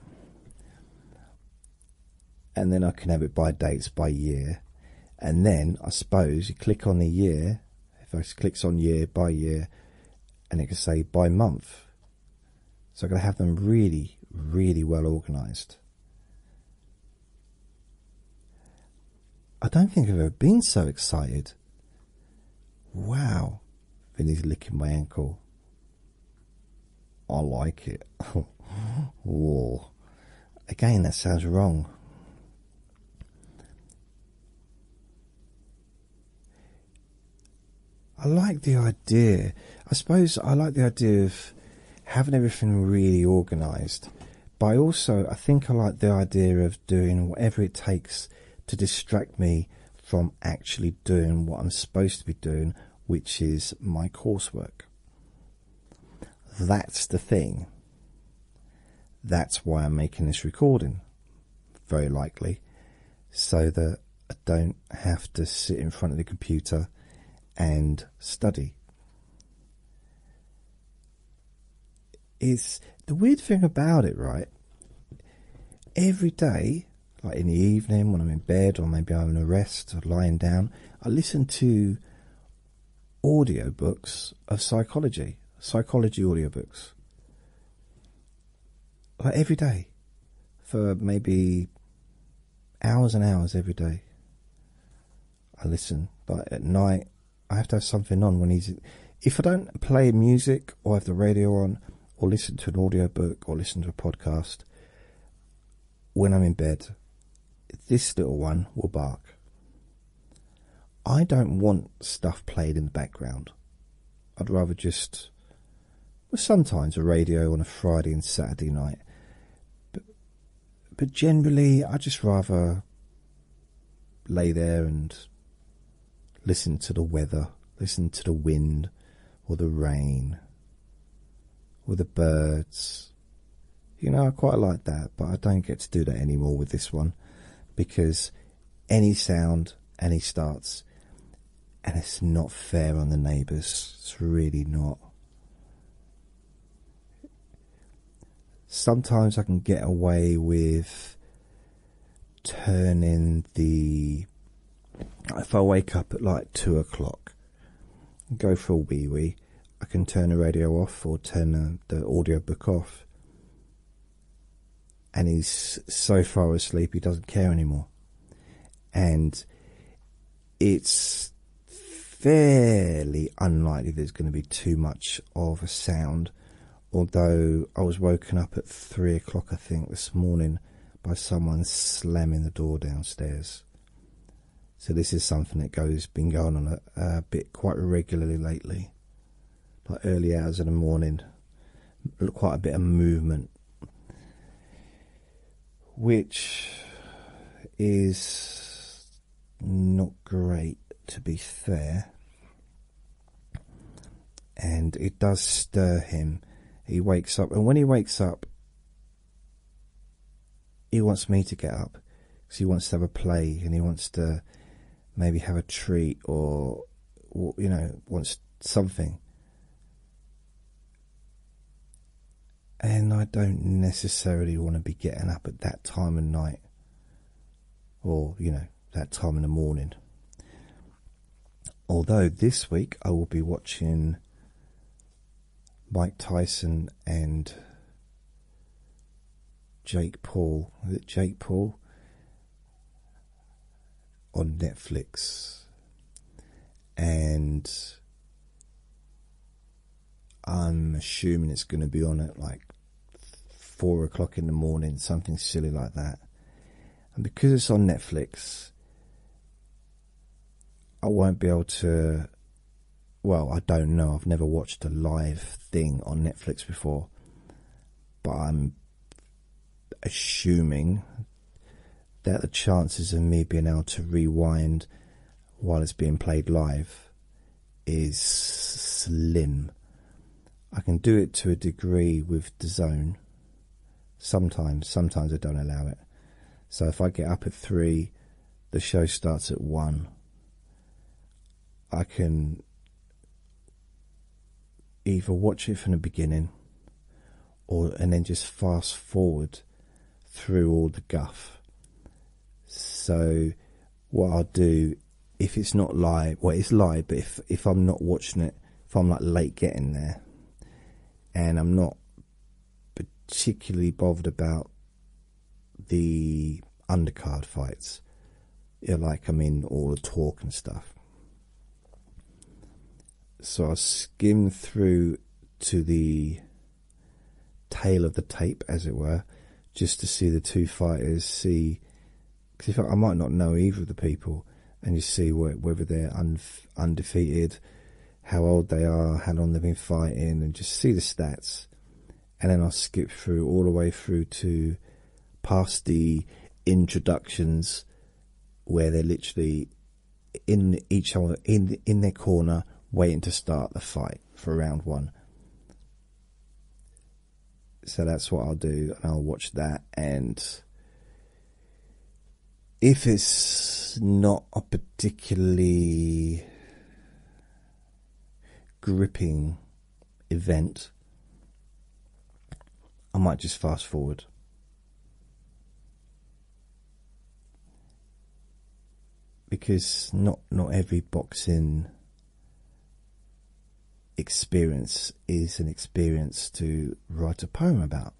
And then I can have it by dates, by year, and then I suppose you click on the year. If I clicks on year by year, and it can say by month. So I'm going to have them really, really well organized. I don't think I've ever been so excited. Wow, Vinny's licking my ankle. I like it. Whoa. Again, that sounds wrong. I like the idea. I suppose I like the idea of having everything really organised, but I also I think I like the idea of doing whatever it takes to distract me from actually doing what I'm supposed to be doing, which is my coursework. That's the thing. That's why I'm making this recording very likely, so that I don't have to sit in front of the computer and study. It's the weird thing about it, right? Every day, like in the evening when I'm in bed, or maybe I'm in a rest or lying down, I listen to audio books of psychology, psychology audio books like every day for maybe hours and hours every day. I listen, but at night I have to have something on when he's. If I don't play music or have the radio on or listen to an audiobook or listen to a podcast when I'm in bed, this little one will bark. I don't want stuff played in the background. I'd rather just. Well, sometimes a radio on a Friday and Saturday night, but but generally I just rather lay there and listen to the weather, listen to the wind, or the rain, or the birds. You know, I quite like that, but I don't get to do that anymore with this one because any sound, any starts. And it's not fair on the neighbours. It's really not. Sometimes I can get away with turning the. If I wake up at like two o'clock, go for a wee wee, I can turn the radio off or turn the, the audio book off and he's so far asleep he doesn't care anymore. And it's fairly unlikely there's going to be too much of a sound. Although I was woken up at three o'clock, I think, this morning by someone slamming the door downstairs. So this is something that goes been going on a, bit quite regularly lately like early hours of the morning, look quite a bit of movement, which is not great to be fair. And it does stir him. He wakes up, and when he wakes up, he wants me to get up because he wants to have a play and he wants to maybe have a treat or, you know, wants something. And I don't necessarily want to be getting up at that time of night or, you know, that time in the morning. Although this week I will be watching Mike Tyson and Jake Paul. Is it Jake Paul? on Netflix, and I'm assuming it's going to be on at like four o'clock in the morning, something silly like that. And because it's on Netflix, I won't be able to. Well, I don't know. I've never watched a live thing on Netflix before, but I'm assuming that the chances of me being able to rewind while it's being played live is slim. I can do it to a degree with the zone. Sometimes, sometimes I don't allow it. So if I get up at three, the show starts at one. I can either watch it from the beginning or and then just fast forward through all the guff. So what I'll do if it's not live well it's live but if if I'm not watching it if I'm like late getting there and I'm not particularly bothered about the undercard fights. Yeah, like I mean all the talk and stuff. So I skim through to the tail of the tape, as it were, just to see the two fighters, see. Because I, I might not know either of the people, and you see whether they're undefeated, how old they are, how long they've been fighting, and just see the stats. And then I'll skip through all the way through to past the introductions where they're literally in each other in in their corner waiting to start the fight for round one so that's what i'll do and i'll watch that and if it's not a particularly gripping event I might just fast forward. Because not not every boxing experience is an experience to write a poem about.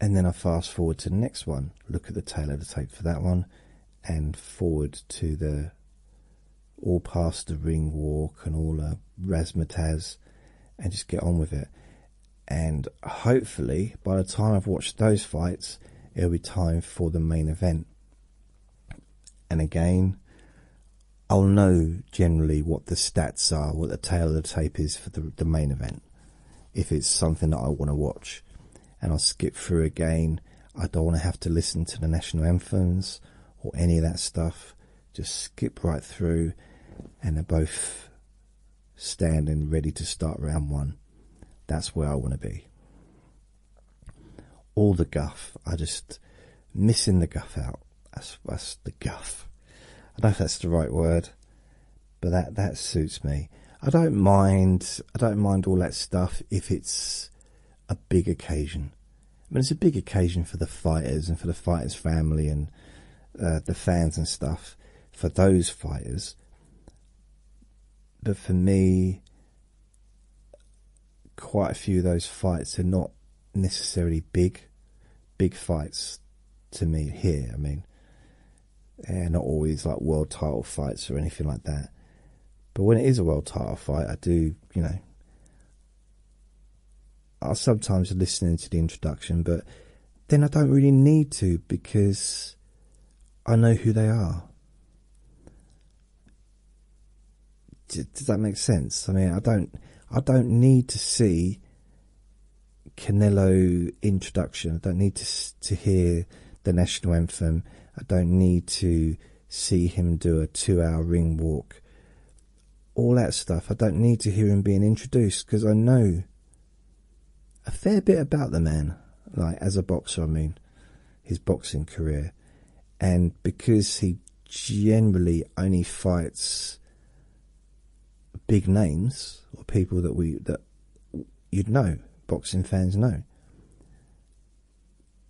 And then I fast forward to the next one, look at the tail of the tape for that one, and forward to the all past the ring walk and all the razzmatazz and just get on with it. And hopefully, by the time I've watched those fights, it'll be time for the main event. And again, I'll know generally what the stats are, what the tail of the tape is for the, the main event, if it's something that I want to watch. And I'll skip through again. I don't want to have to listen to the national anthems or any of that stuff just skip right through and they're both standing ready to start round one. That's where I want to be. All the guff, I just missing the guff out. That's the guff. I don't know if that's the right word, but that that suits me. I don't mind. I don't mind all that stuff if it's a big occasion. I mean, it's a big occasion for the fighters and for the fighters' family and uh, the fans and stuff for those fighters. But for me, quite a few of those fights are not necessarily big, big fights to me here. I mean, they're not always like world title fights or anything like that. But when it is a world title fight, I do, you know, i sometimes listen to the introduction, but then I don't really need to because I know who they are. does that make sense? I mean, I don't, I don't need to see Canelo introduction. I don't need to to hear the national anthem. I don't need to see him do a two-hour ring walk all that stuff. I don't need to hear him being introduced because I know a fair bit about the man, like as a boxer, I mean, his boxing career. And because he generally only fights big names or people that we that you'd know, boxing fans know.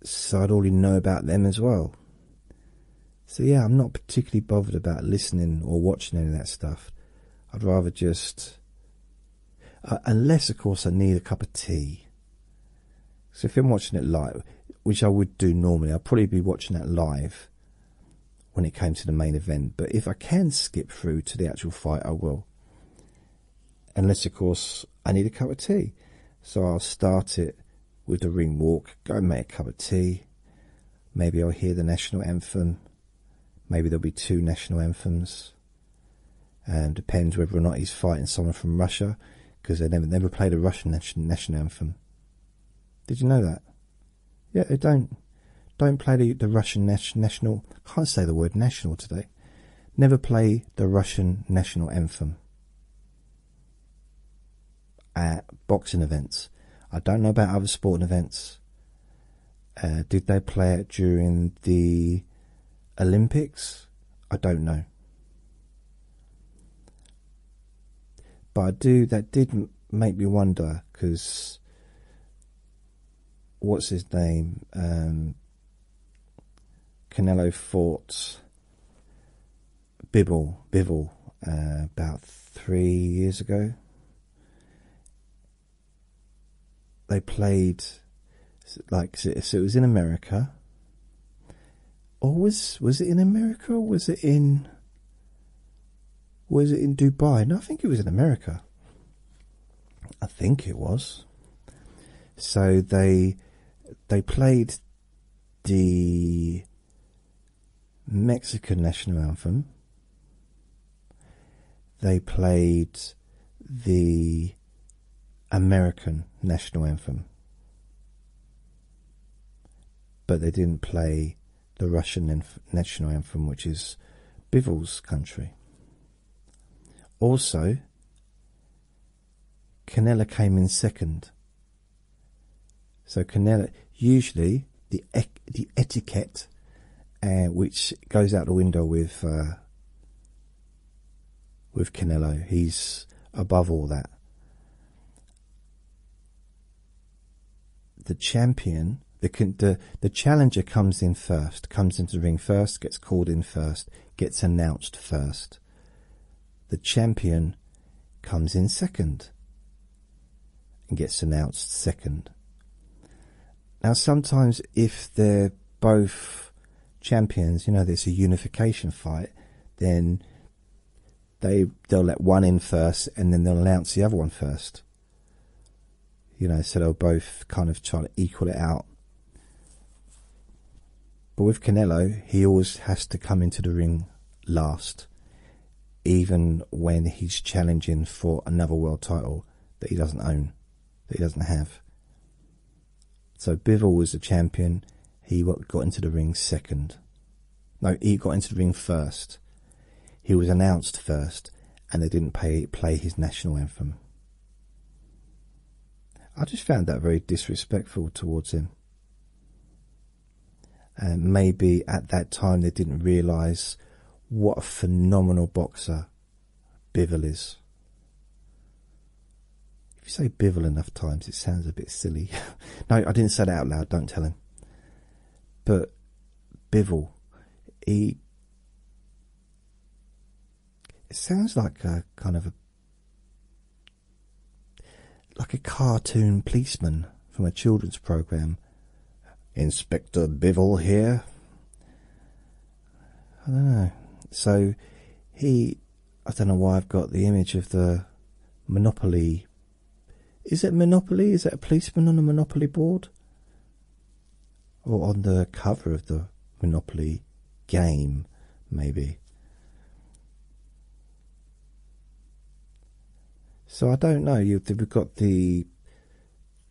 So I'd already know about them as well. So yeah, I'm not particularly bothered about listening or watching any of that stuff. I'd rather just, uh, unless of course I need a cup of tea. So if I'm watching it live, which I would do normally, i will probably be watching that live when it came to the main event. But if I can skip through to the actual fight, I will. Unless of course I need a cup of tea. So I'll start it with the ring walk, go and make a cup of tea. Maybe I'll hear the national anthem. Maybe there'll be two national anthems. Um, depends whether or not he's fighting someone from Russia, because they never never played a Russian national anthem. Did you know that? Yeah, they don't. Don't play the, the Russian national. Can't say the word national today. Never play the Russian national anthem at boxing events. I don't know about other sporting events. Uh, did they play it during the Olympics? I don't know. But I do, that did make me wonder because what's his name? Um, Canelo fought Bibble, Bibble, uh, about three years ago. They played, like, so it was in America. Or was was it in America? Or was it in? Was it in Dubai? No, I think it was in America. I think it was. So they they played the Mexican national anthem. They played the American national anthem. But they didn't play the Russian national anthem, which is Bivol's country. Also, Canella came in second so Canelo, usually the the etiquette, uh, which goes out the window with uh, with Canelo, he's above all that. The champion, the the the challenger comes in first, comes into the ring first, gets called in first, gets announced first. The champion comes in second and gets announced second. Now, sometimes if they're both champions, you know, there's a unification fight, then they they'll let one in first and then they'll announce the other one first. You know, so they'll both kind of try to equal it out. But with Canelo, he always has to come into the ring last even when he's challenging for another world title that he doesn't own, that he doesn't have. So Bivol was the champion. He got into the ring second. No, he got into the ring first. He was announced first, and they didn't play his national anthem. I just found that very disrespectful towards him. And uh, maybe at that time they didn't realise what a phenomenal boxer Bivol is. If you say Bivol enough times, it sounds a bit silly. no, I didn't say that out loud, don't tell him. But Bivol, he. It sounds like a kind of a like a cartoon policeman from a children's program. Inspector Bivol here. I don't know. So he, I don't know why I've got the image of the Monopoly. Is it Monopoly? Is it a policeman on a Monopoly board? Or on the cover of the Monopoly game, maybe? So I don't know. You we've got the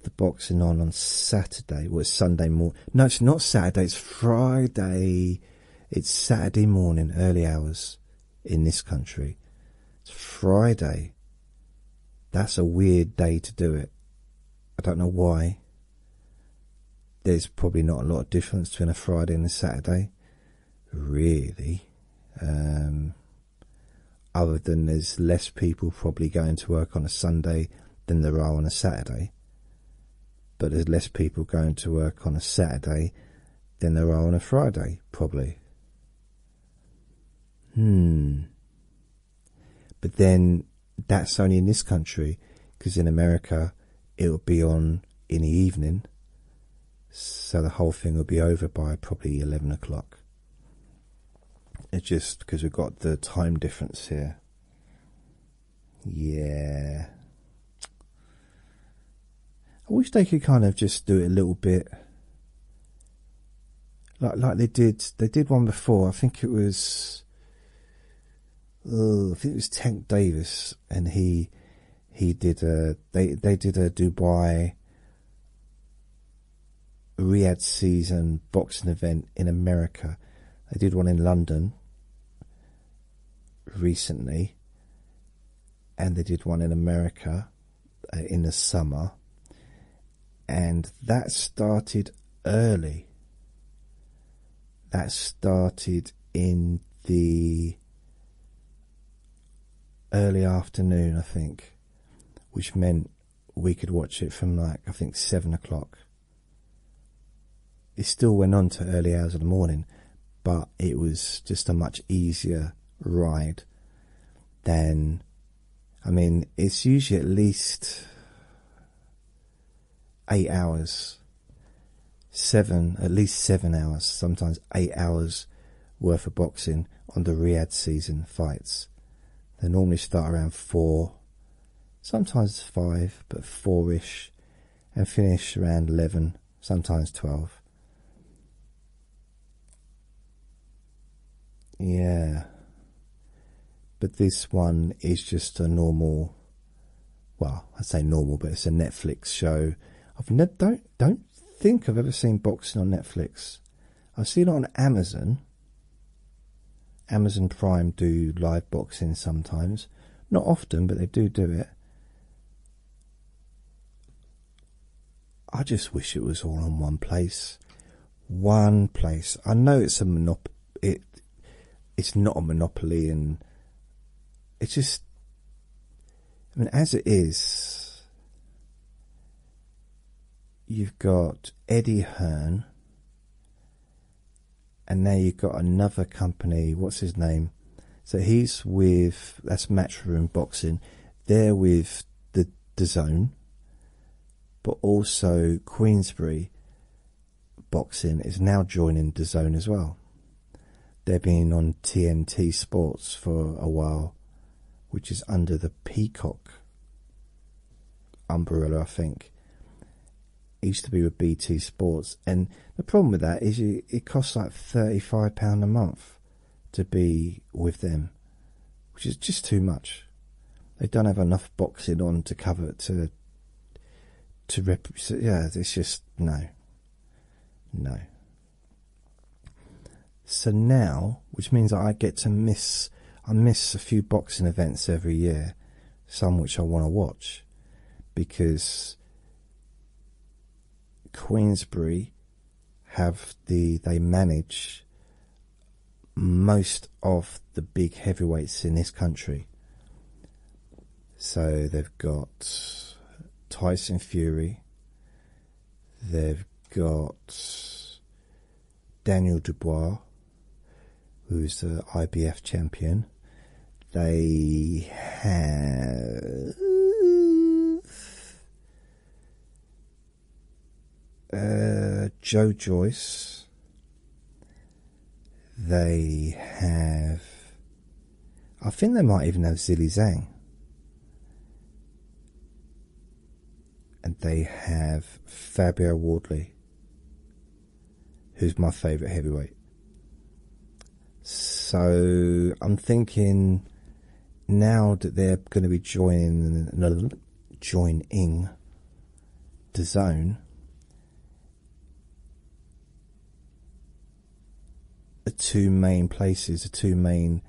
the boxing on on Saturday. Well, Sunday morning. No, it's not Saturday. It's Friday. It's Saturday morning, early hours in this country. It's Friday. That's a weird day to do it. I don't know why. There's probably not a lot of difference between a Friday and a Saturday really. Um, other than there's less people probably going to work on a Sunday than there are on a Saturday. But there's less people going to work on a Saturday than there are on a Friday, probably. Hmm. But then that's only in this country, because in America it'll be on in the evening so the whole thing will be over by probably 11 o'clock. It's just because we've got the time difference here. Yeah. I wish they could kind of just do it a little bit like like they did they did one before. I think it was oh, I think it was Tank Davis and he he did a they they did a Dubai Riyadh season boxing event in America. They did one in London recently, and they did one in America uh, in the summer, and that started early. That started in the early afternoon, I think, which meant we could watch it from like I think seven o'clock. It still went on to early hours of the morning, but it was just a much easier ride than. I mean, it's usually at least eight hours, seven, at least seven hours, sometimes eight hours worth of boxing on the Riyadh season fights. They normally start around four, sometimes five, but four ish, and finish around 11, sometimes 12. Yeah. But this one is just a normal well, I say normal, but it's a Netflix show. I've ne don't don't think I've ever seen boxing on Netflix. I've seen it on Amazon. Amazon Prime do live boxing sometimes. Not often, but they do do it. I just wish it was all in one place. One place. I know it's a monop it it's not a monopoly and it's just I mean, as it is, you've got Eddie Hearn, and now you've got another company. What's his name? So he's with that's Matchroom Boxing. They're with the the Zone, but also Queensbury Boxing is now joining the Zone as well. They've been on TNT Sports for a while which is under the Peacock umbrella, I think. used to be with BT Sports, and the problem with that is it, costs like thirty-five pound a month to be with them, which is just too much. They don't have enough boxing on to cover it to to represent. Yeah, it's just no, no. So now, which means I get to miss, I miss a few boxing events every year, some which I want to watch, because Queensbury have the they manage most of the big heavyweights in this country. So they've got Tyson Fury, They've got Daniel Dubois, who is the IBF champion. They have. Uh, Joe Joyce. They have. I think they might even have Zilly Zhang and they have Fabio Wardley, who's my favourite heavyweight. So I'm thinking now that they're going to be joining no, joining the zone. The two main places, the two main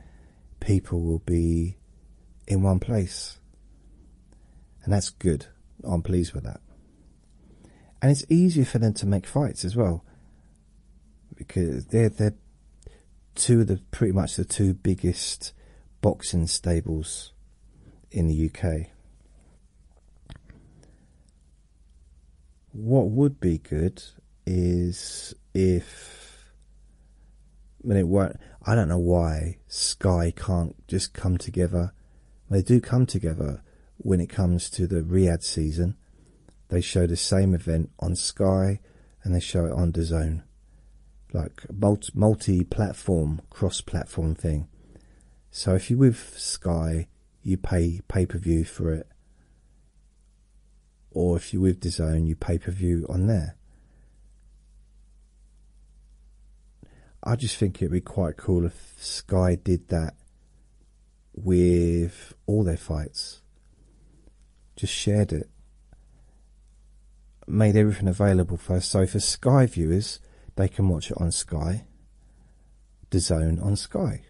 people will be in one place. And that's good. I'm pleased with that. And it's easier for them to make fights as well. Because they're they're two of the pretty much the two biggest boxing stables in the UK. What would be good is if I mean it will I don't know why Sky can't just come together. They do come together when it comes to the Riyadh season. They show the same event on Sky and they show it on DAZN. Like multi platform, cross platform thing. So if you're with Sky, you pay pay per view for it or if you're with DAZN, you pay per view on there. I just think it'd be quite cool if Sky did that with all their fights, just shared it, made everything available for us. So for Sky viewers, they can watch it on Sky, DAZN on Sky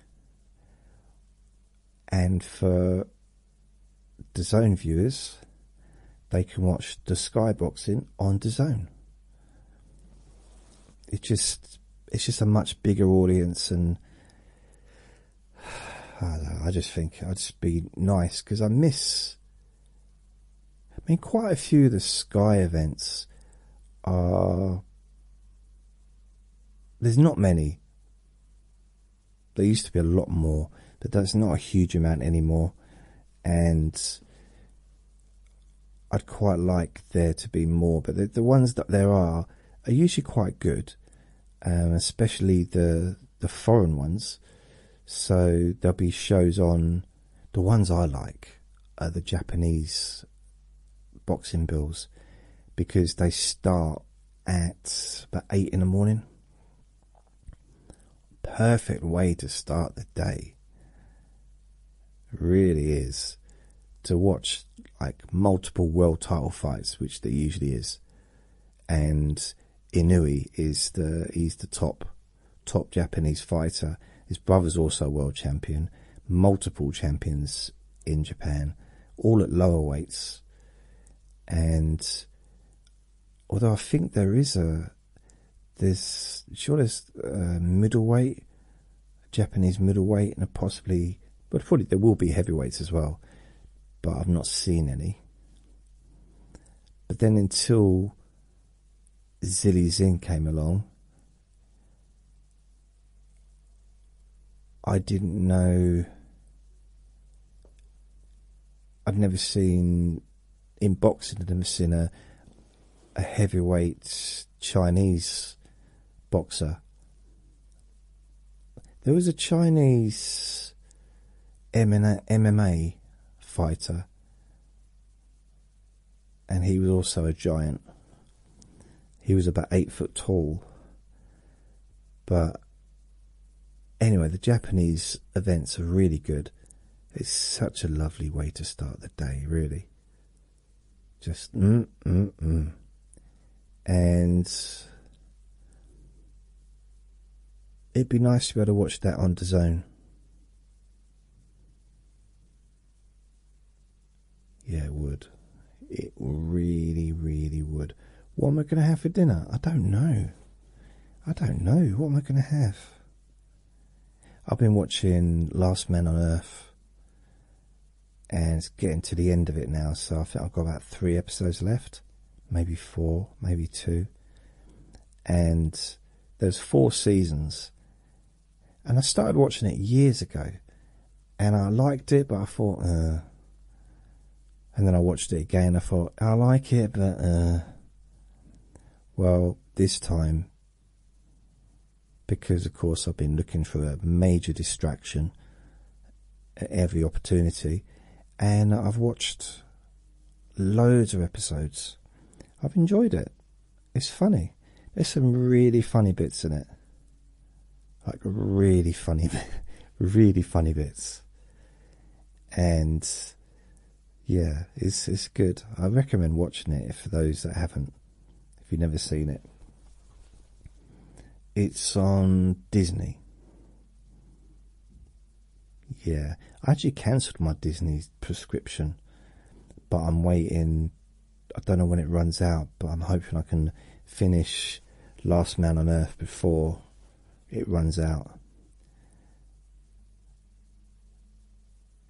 and for the Zone viewers, they can watch the Sky boxing on DAZN. It just it's just a much bigger audience, and I, I just think I'd just be nice because I miss. I mean, quite a few of the Sky events are. There's not many there used to be a lot more, but that's not a huge amount anymore. And I'd quite like there to be more, but the, ones that there are are usually quite good, um, especially the the foreign ones. So there'll be shows on. The ones I like are the Japanese boxing bills because they start at about eight in the morning Perfect way to start the day really is to watch like multiple world title fights, which there usually is, and Inui is the he's the top top Japanese fighter. His brother's also world champion, multiple champions in Japan, all at lower weights, and although I think there is a there's sure a uh, middleweight, Japanese middleweight, and a possibly but probably there will be heavyweights as well, but I've not seen any. But then until Zilly Zin came along, I didn't know I've never seen in boxing. I've seen a a heavyweight Chinese boxer. There was a Chinese MMA fighter, and he was also a giant. He was about eight foot tall, but anyway, the Japanese events are really good. It's such a lovely way to start the day, really. Just mm, mm, mm. and it'd be nice to be able to watch that on the zone. Yeah, it would. It really, really would. What am I going to have for dinner? I don't know. I don't know. What am I going to have? I've been watching Last Man on Earth and it's getting to the end of it now, so I think I've got about three episodes left, maybe four, maybe two. And there's four seasons, and I started watching it years ago and I liked it, but I thought, uh, and then I watched it again. I thought I like it, but uh, well, this time because of course I've been looking for a major distraction at every opportunity, and I've watched loads of episodes. I've enjoyed it. It's funny. There's some really funny bits in it. Like really funny, really funny bits and yeah, it's it's good. I recommend watching it for those that haven't, if you've never seen it. It's on Disney. Yeah, I actually cancelled my Disney prescription, but I'm waiting. I don't know when it runs out, but I'm hoping I can finish Last Man on Earth before it runs out.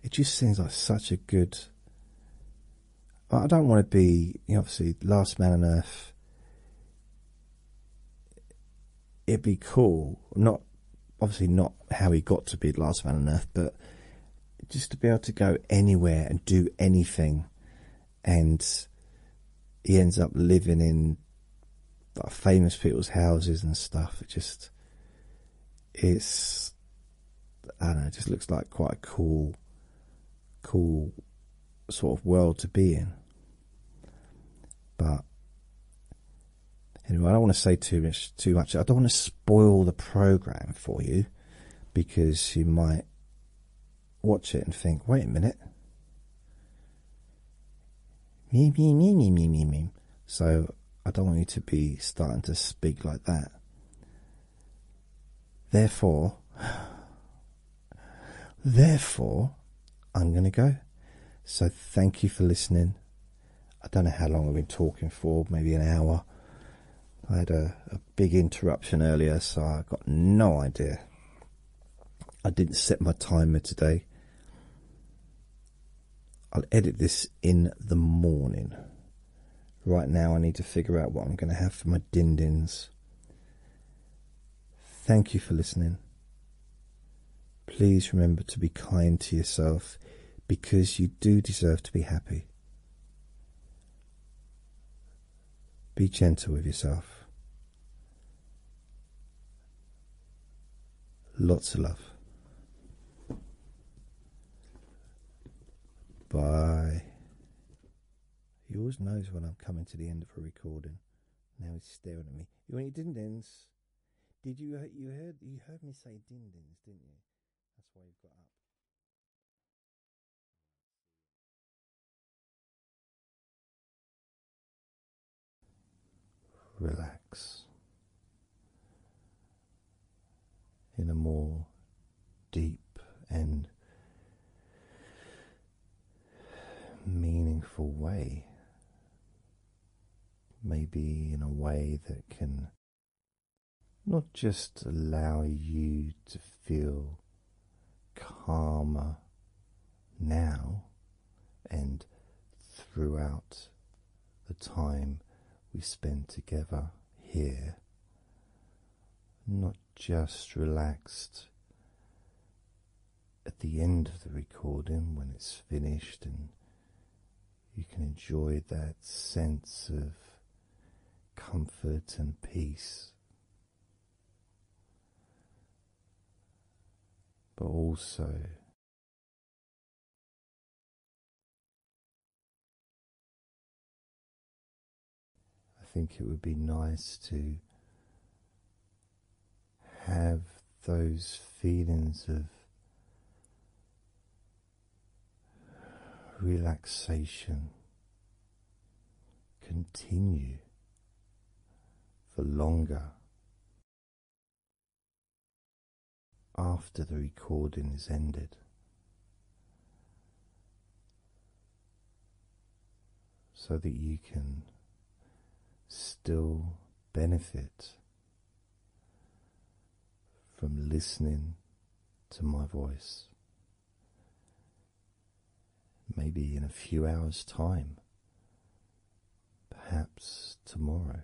It just seems like such a good. I don't want to be, you know, obviously, Last Man on Earth. It'd be cool, not obviously not how he got to be Last Man on Earth, but just to be able to go anywhere and do anything, and he ends up living in like famous people's houses and stuff. It just it's I don't know, it just looks like quite a cool cool sort of world to be in. But anyway, I don't want to say too much too much. I don't want to spoil the program for you because you might watch it and think, wait a minute. Me, me, me, me, me, me, me. So I don't want you to be starting to speak like that. Therefore, therefore, I'm going to go. So thank you for listening. I don't know how long I've been talking for, maybe an hour. I had a, a big interruption earlier, so I've got no idea. I didn't set my timer today. I'll edit this in the morning. Right now, I need to figure out what I'm going to have for my din dins. Thank you for listening. Please remember to be kind to yourself because you do deserve to be happy. Be gentle with yourself. Lots of love. Bye. He always knows when I'm coming to the end of a recording. Now he's staring at me. You want your dindins? Did you you heard you heard me say dindins, didn't you? That's why he got up relax in a more deep and meaningful way, maybe in a way that can not just allow you to feel calmer now and throughout the time we spend together here, not just relaxed at the end of the recording when it's finished and you can enjoy that sense of comfort and peace. But also I think it would be nice to have those feelings of relaxation continue for longer after the recording is ended, so that you can still benefit from listening to my voice. Maybe in a few hours' time, perhaps tomorrow.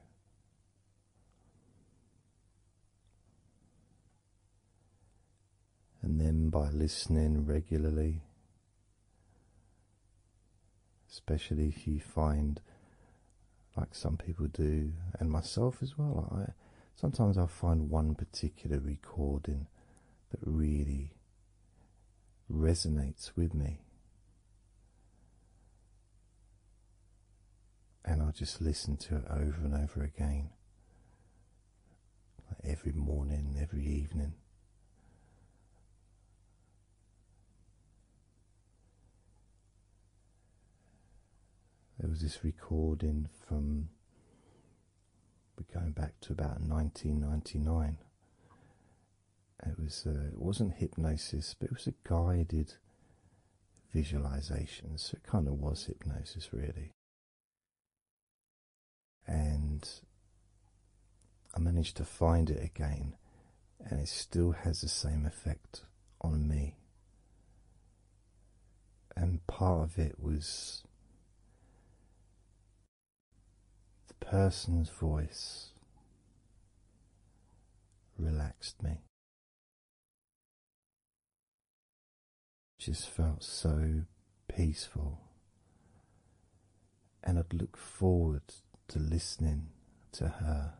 And then by listening regularly, especially if you find, like some people do, and myself as well, I sometimes I'll find one particular recording that really resonates with me. And I'll just listen to it over and over again. Like every morning, every evening. There was this recording from, we're going back to about 1999 it was uh, it wasn't hypnosis, but it was a guided visualization, so it kind of was hypnosis really. And I managed to find it again, and it still has the same effect on me. And part of it was the person's voice relaxed me. Just felt so peaceful, and I'd look forward to listening to her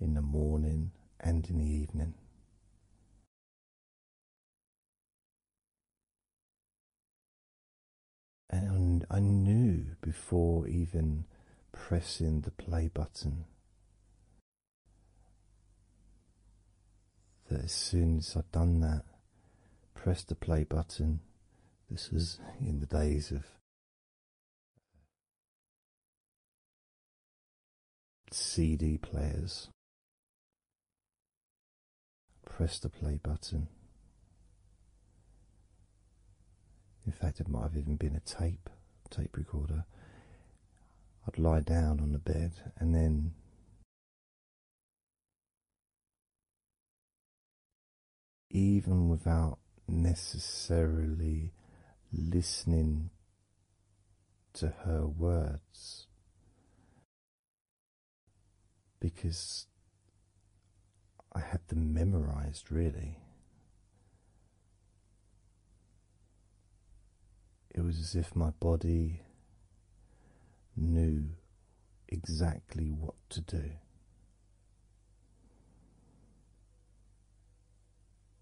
in the morning and in the evening. And I knew before even pressing the play button that as soon as I'd done that, press the play button, this was in the days of CD players. Press the play button, in fact, it might have even been a tape, tape recorder. I'd lie down on the bed and then. Even without necessarily listening to her words, because I had them memorized really. It was as if my body knew exactly what to do.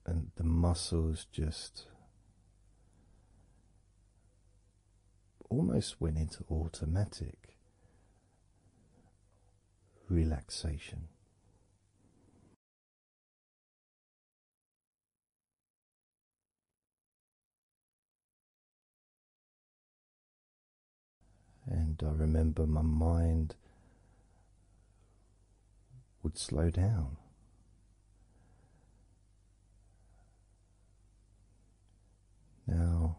And the muscles just almost went into automatic relaxation. And I remember my mind would slow down. Now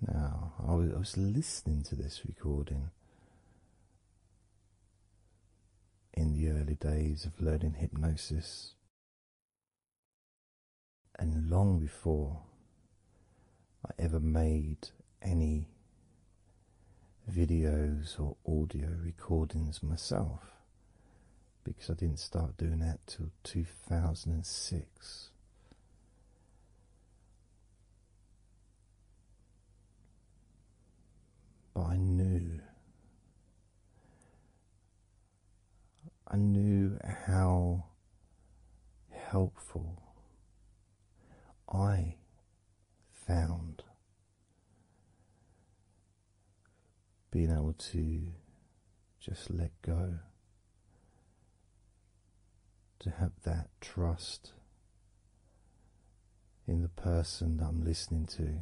now, I was, listening to this recording in the early days of learning hypnosis, and long before I ever made any videos or audio recordings myself because I didn't start doing that till 2006. But I knew. I knew how helpful I found being able to just let go. To have that trust in the person that I'm listening to.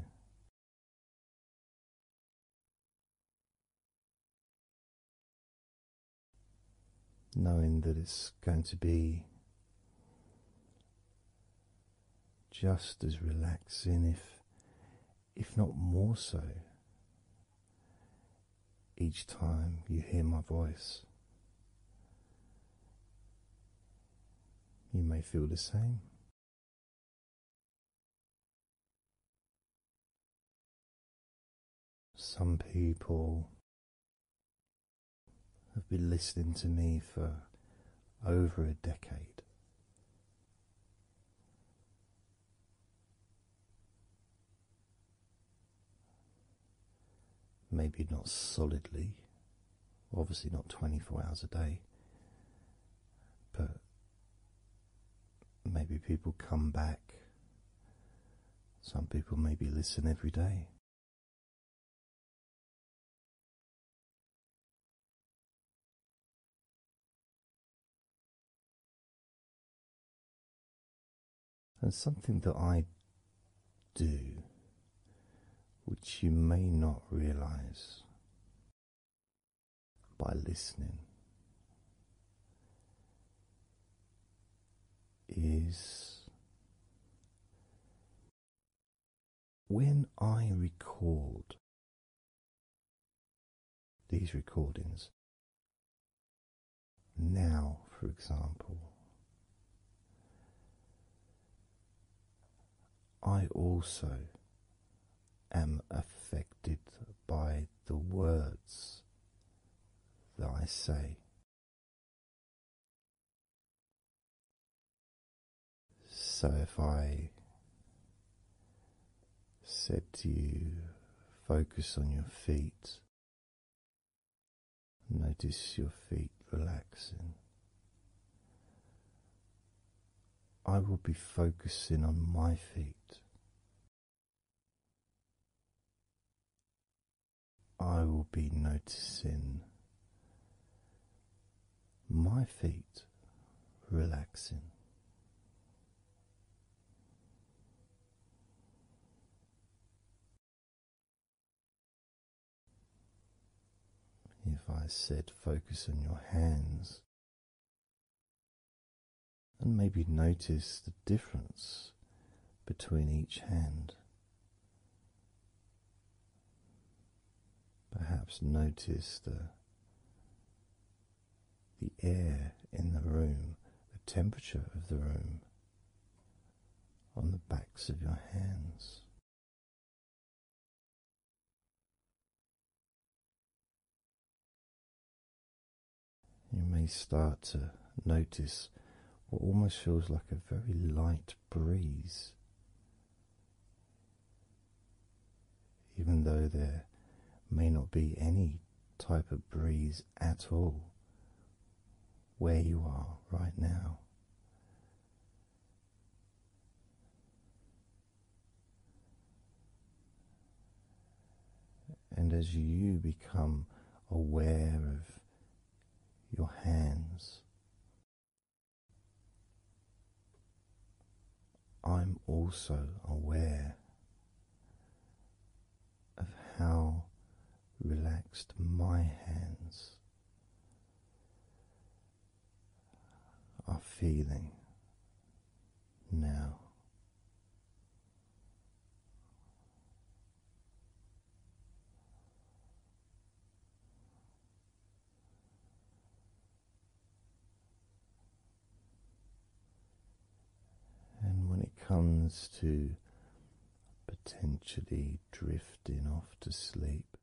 Knowing that it's going to be just as relaxing, if, if not more so, each time you hear my voice. You may feel the same. Some people have been listening to me for over a decade. Maybe not solidly, obviously not 24 hours a day, but maybe people come back. Some people maybe listen every day. And something that I do, which you may not realize by listening, is when I record these recordings, now, for example, I also am affected by the words that I say. So if I said to you, focus on your feet. Notice your feet relaxing. I will be focusing on my feet. I will be noticing my feet relaxing. If I said focus on your hands and maybe notice the difference between each hand, perhaps notice the the air in the room, the temperature of the room on the backs of your hands. You may start to notice what almost feels like a very light breeze, even though there may not be any type of breeze at all where you are right now. And as you become aware of your hands, I'm also aware of how relaxed my hands are feeling now. And when it comes to potentially drifting off to sleep,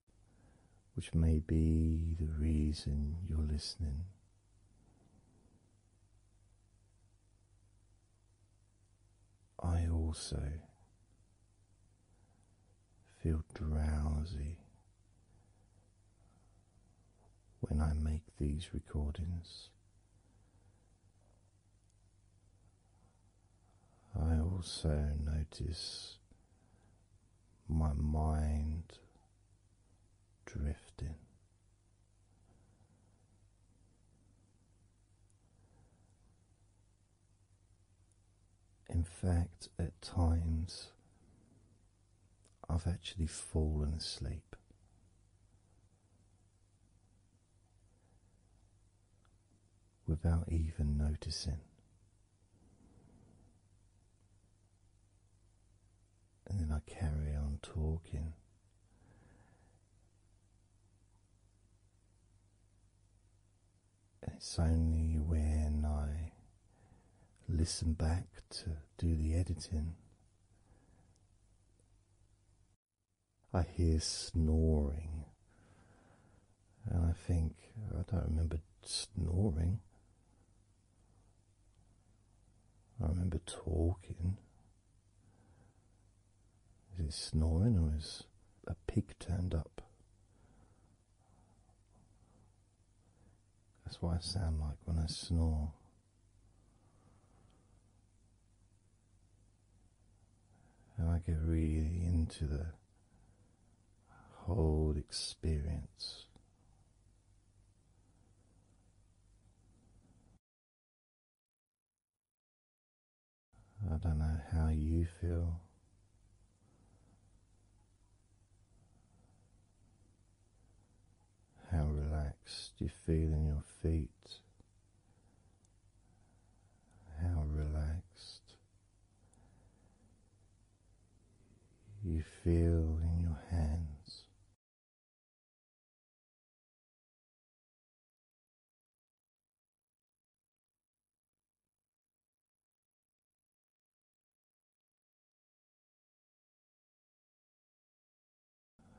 which may be the reason you're listening. I also feel drowsy when I make these recordings, I also notice my mind drifting. In fact, at times I've actually fallen asleep without even noticing. And then I carry on talking. And it's only when I listen back to do the editing I hear snoring, and I think I don't remember snoring. I remember talking. Is it snoring or is a pig turned up? That's what I sound like when I snore and I get really into the whole experience. I don't know how you feel. How relaxed you feel in your feet, how relaxed you feel in your hands.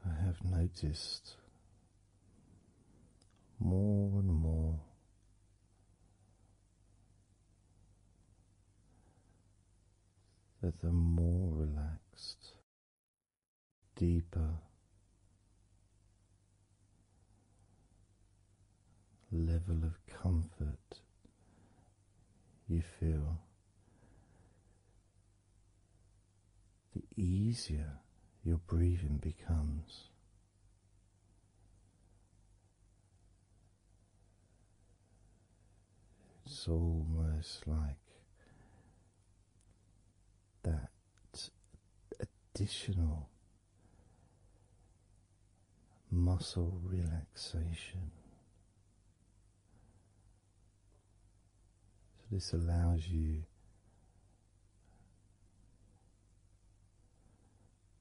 I have noticed more and more. That the more relaxed, deeper, level of comfort you feel the easier your breathing becomes. It's almost like that additional muscle relaxation. So, this allows you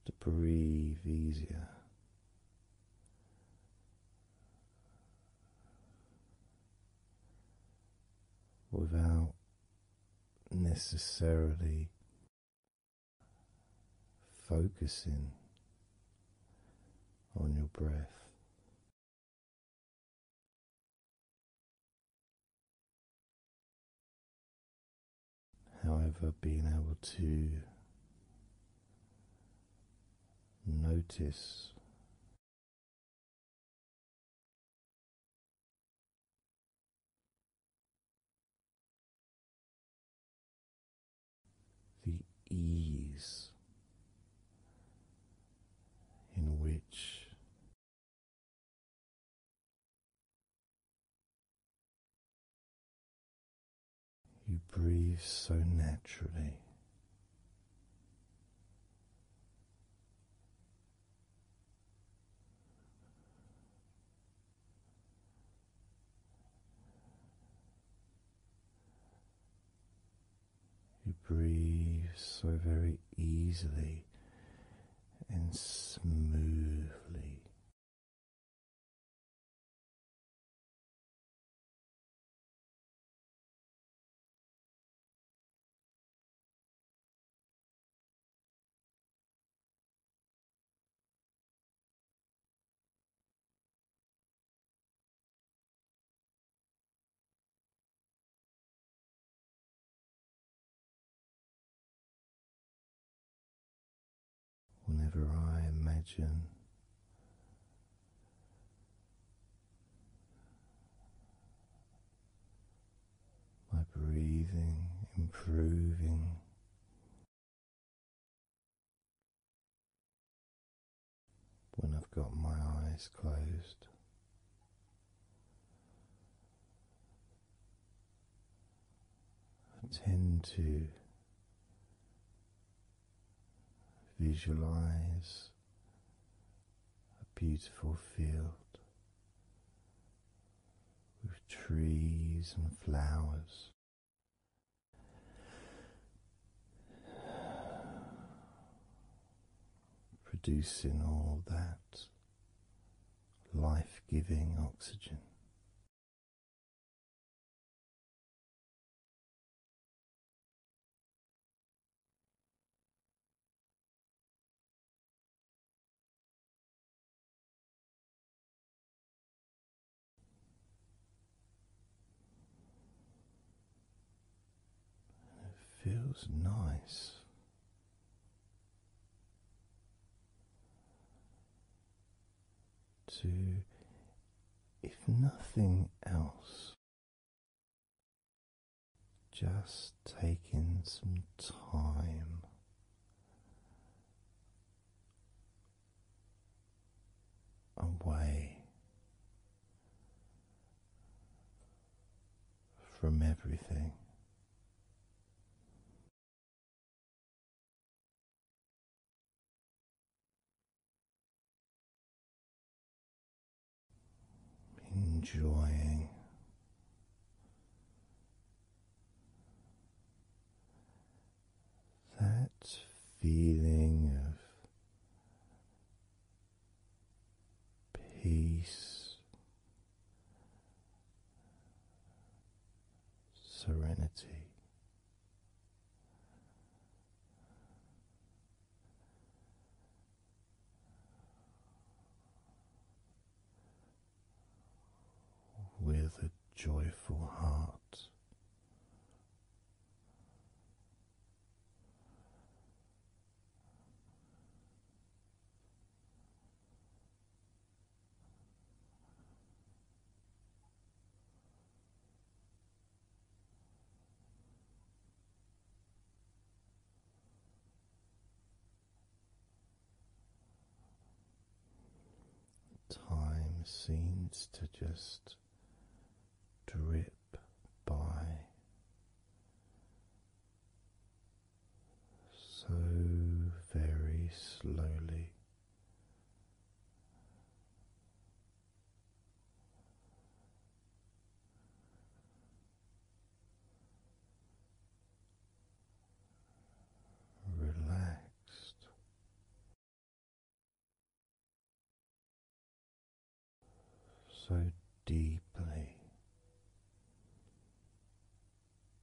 to breathe easier. Without necessarily focusing on your breath, However, being able to notice the ease in which you breathe so naturally. You breathe so very easily and smoothly. Whenever I imagine my breathing improving, when I've got my eyes closed. I tend to visualize a beautiful field with trees and flowers. Producing all that life giving oxygen. it feels nice to, if nothing else, just taking some time away from everything enjoying that feeling of peace serenity. With a joyful heart, Time seems to just drip by so very slowly. Relaxed, so deeply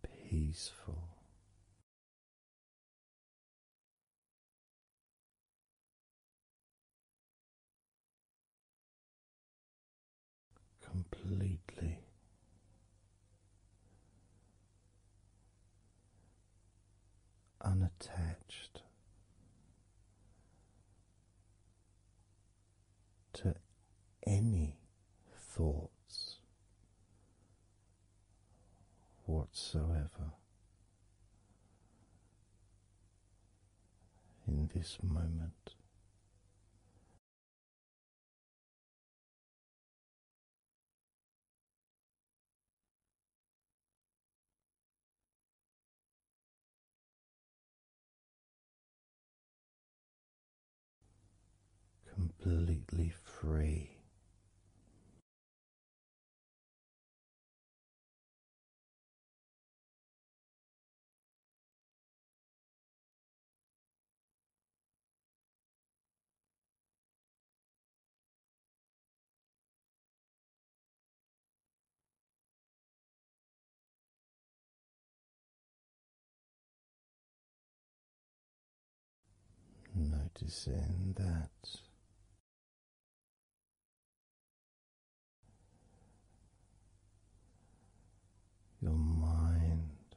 peaceful. Completely unattached to any thoughts whatsoever in this moment completely free. Noticing that your mind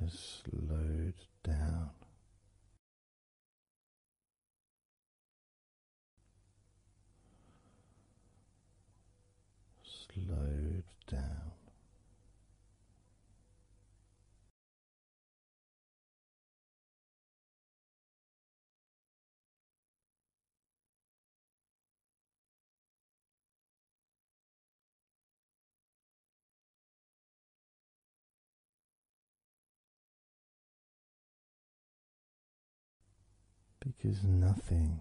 has slowed down slowed down. Because nothing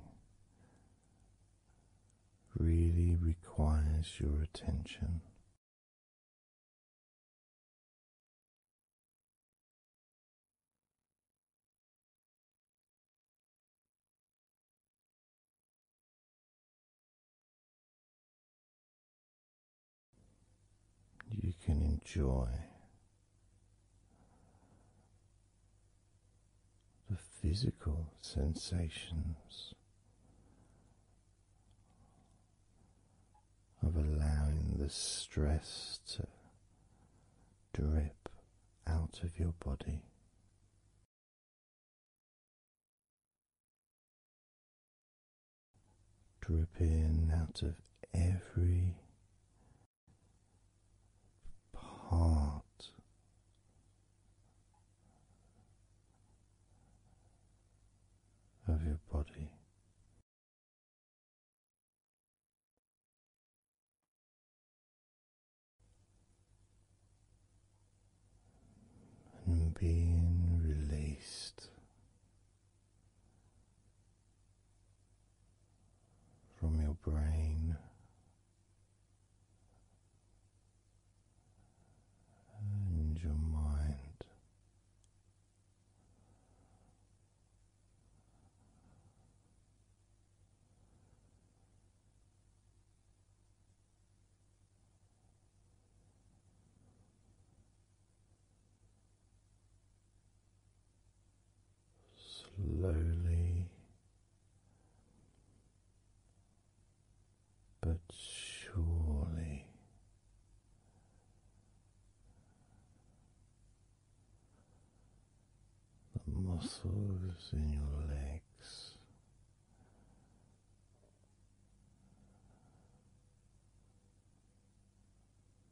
really requires your attention. You can enjoy the physical sensations of allowing the stress to drip out of your body. Drip in out of every part of your body. And being released from your brain. And your mind slowly but surely. The muscles in your legs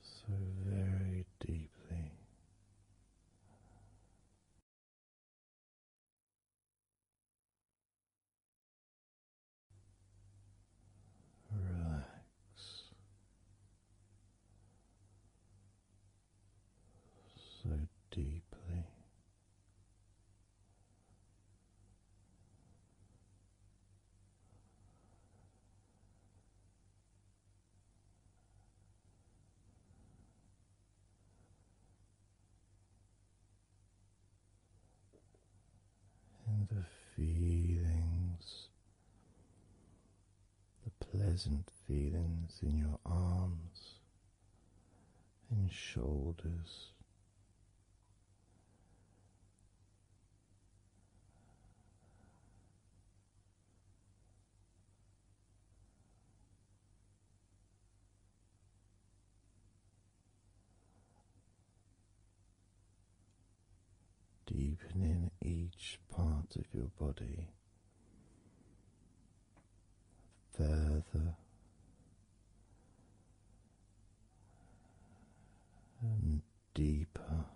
so very deeply. Relax so deeply and the feelings, the pleasant feelings in your arms and shoulders. Deepening each part of your body further and deeper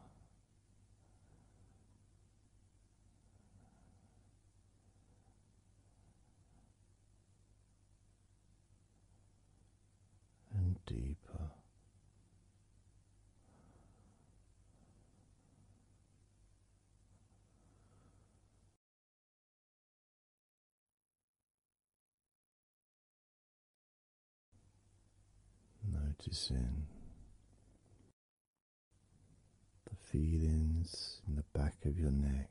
and deeper. Noticing the feelings in the back of your neck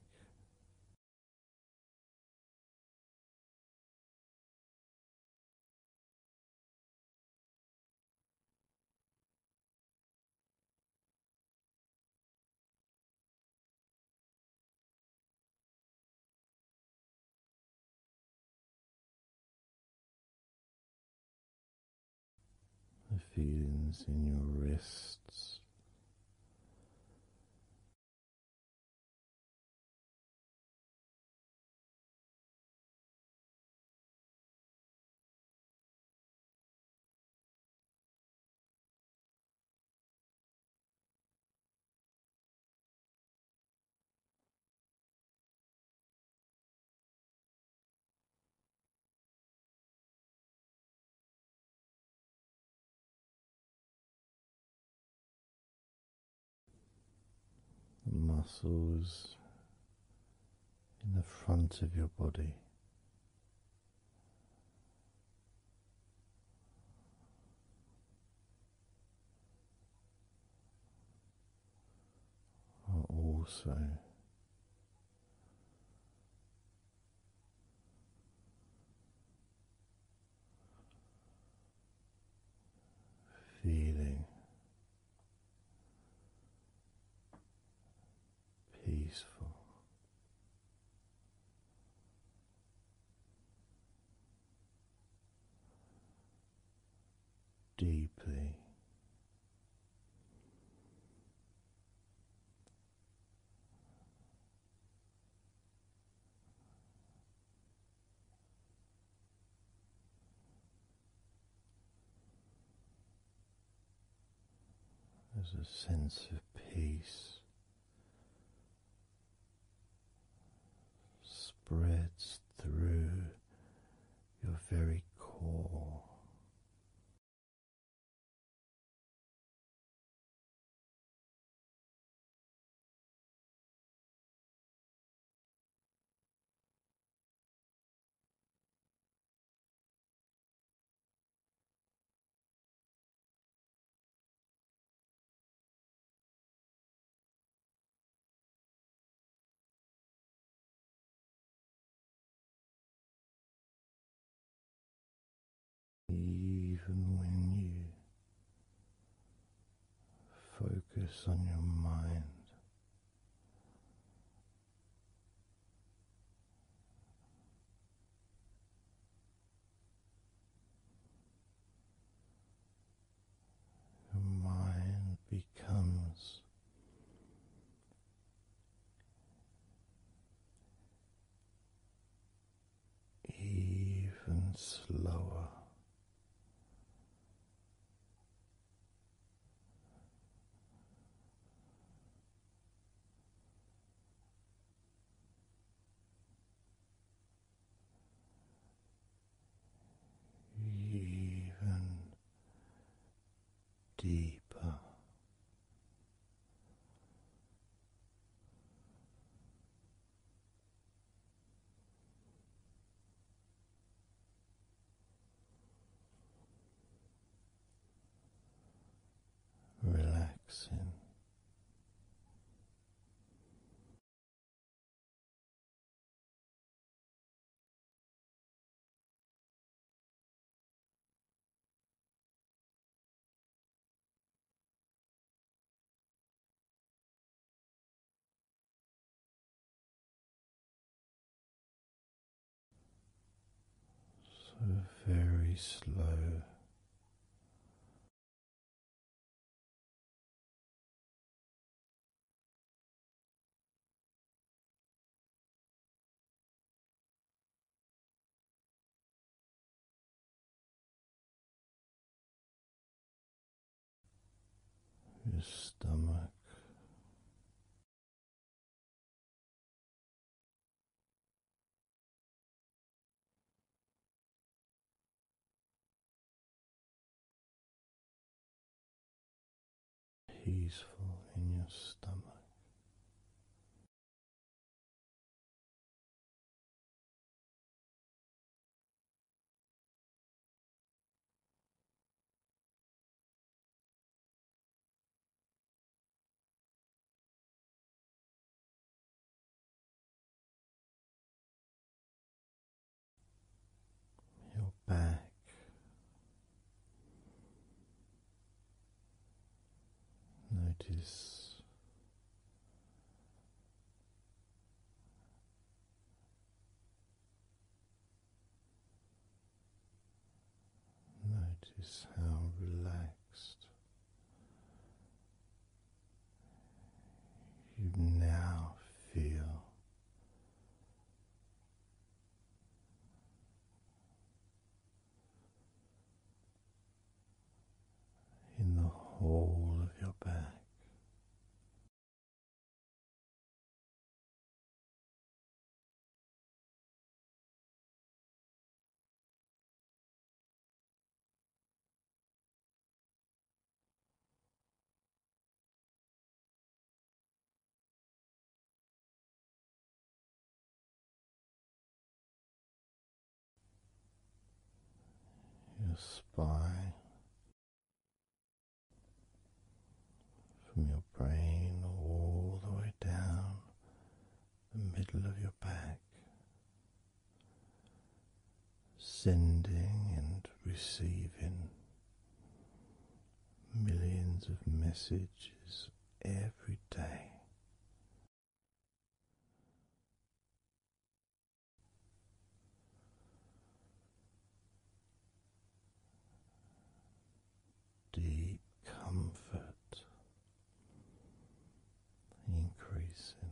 the feelings in your wrists. The muscles in the front of your body are also feeling peaceful deeply. There's a sense of peace spreads through your very core. Even when you focus on your mind, your mind becomes even slower. Even deeper. Relaxing. So very slow your stomach peaceful in your stomach. Your back Notice notice how relaxed you now feel in the whole of your back your spine, from your brain all the way down the middle of your back, sending and receiving millions of messages every day. Deep comfort increasing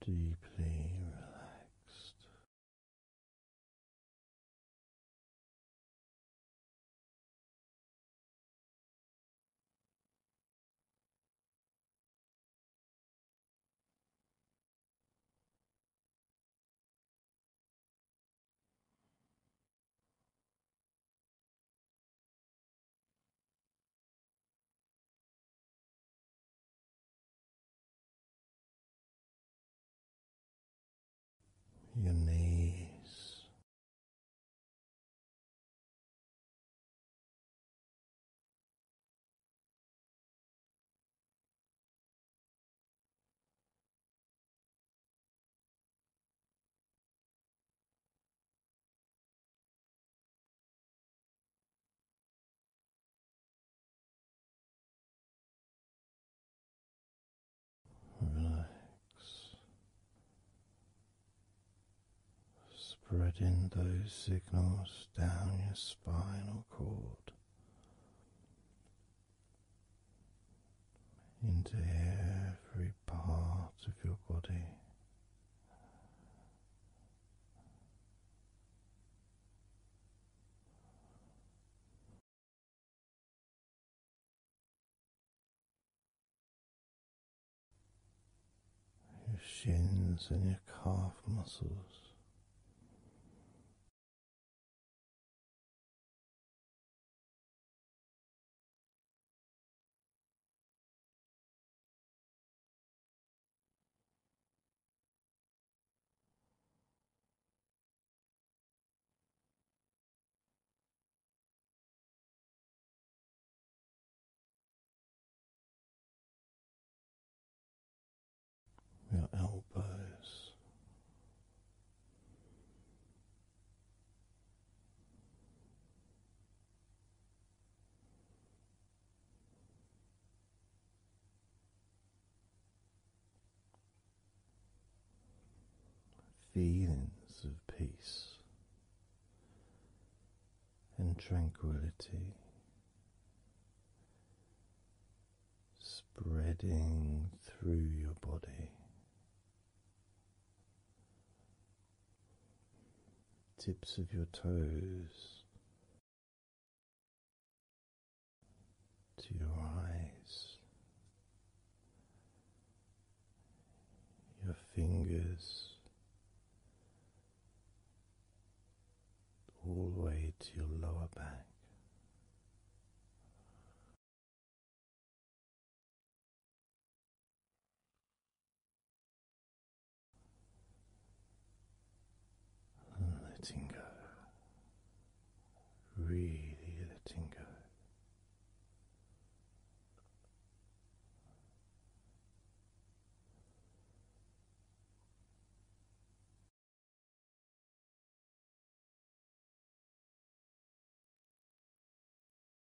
deeply relaxed your knees, Relax, spreading those signals down your spinal cord into every every of your body. Your shins and your calf muscles. Your elbows, Feelings of peace and tranquility spreading through your body, tips of your toes to your eyes, your fingers. All the way to your lower back, letting go, really letting go.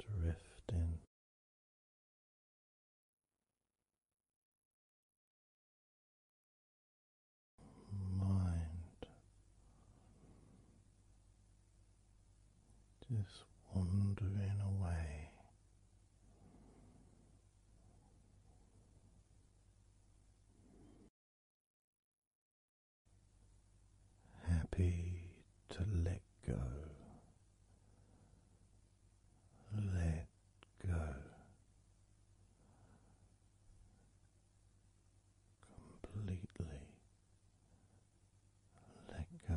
drifting. Mind just wandering away, happy to let go, let go. Completely let go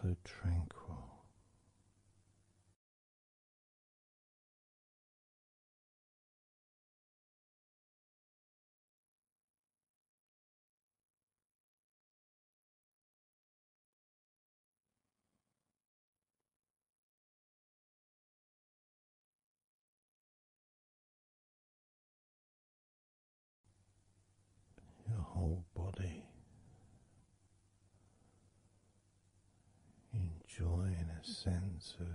so tranquil. Your whole body enjoying a sense of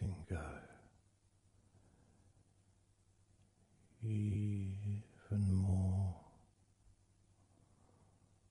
Letting go even more.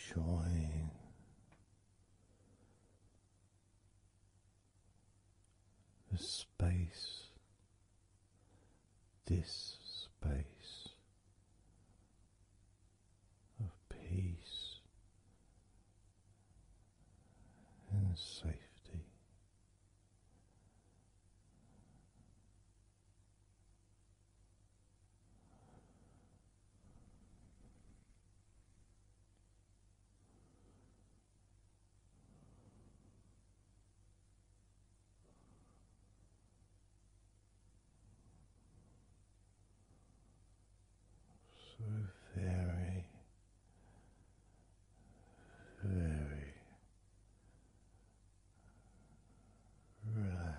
Enjoying the space, this space of peace and safety. So very, very relaxed.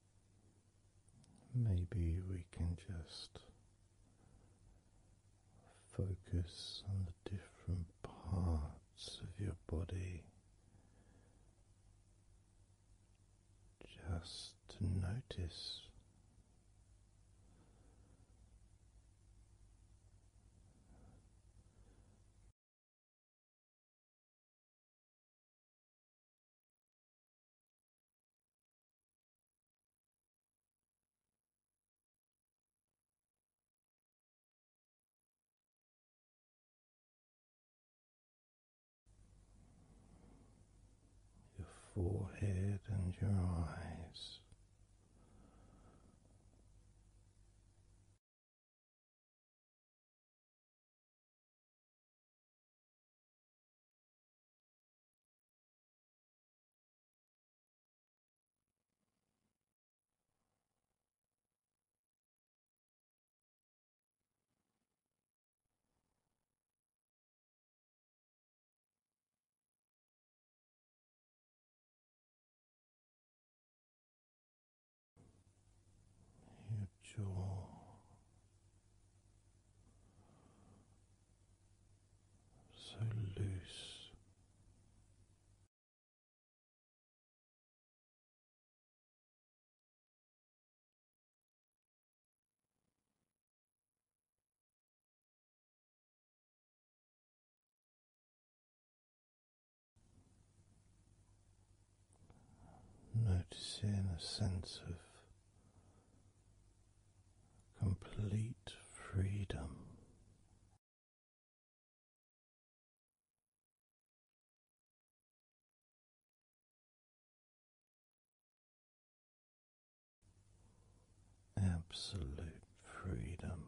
Maybe we can just focus on the different parts of your body just to notice. Your forehead and your eyes. Your jaw so loose. Noticing a sense of complete freedom. Absolute freedom.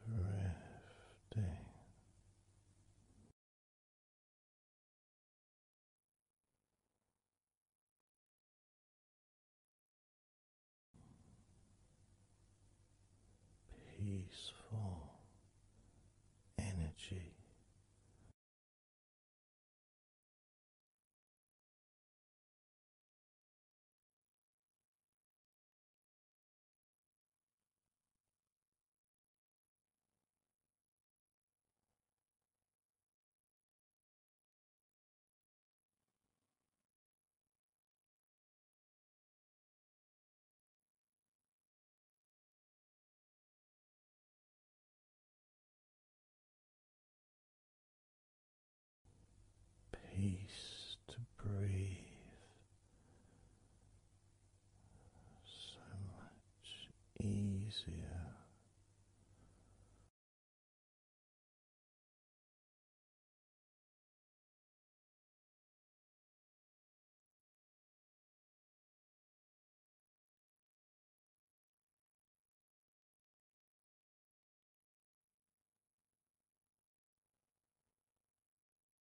drifting. Peaceful energy Peace to breathe so much easier.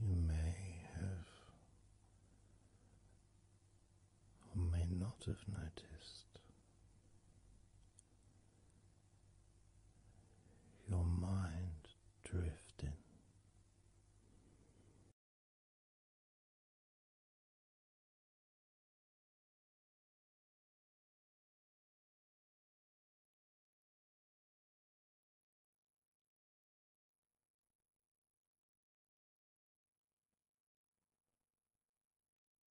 You may have or may not have noticed your mind drifting.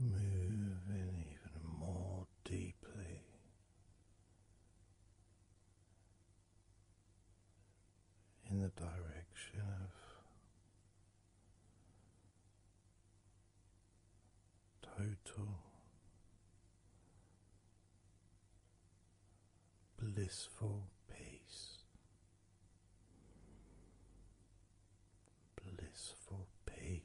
Moving even more deeply in the direction of total blissful peace blissful peace.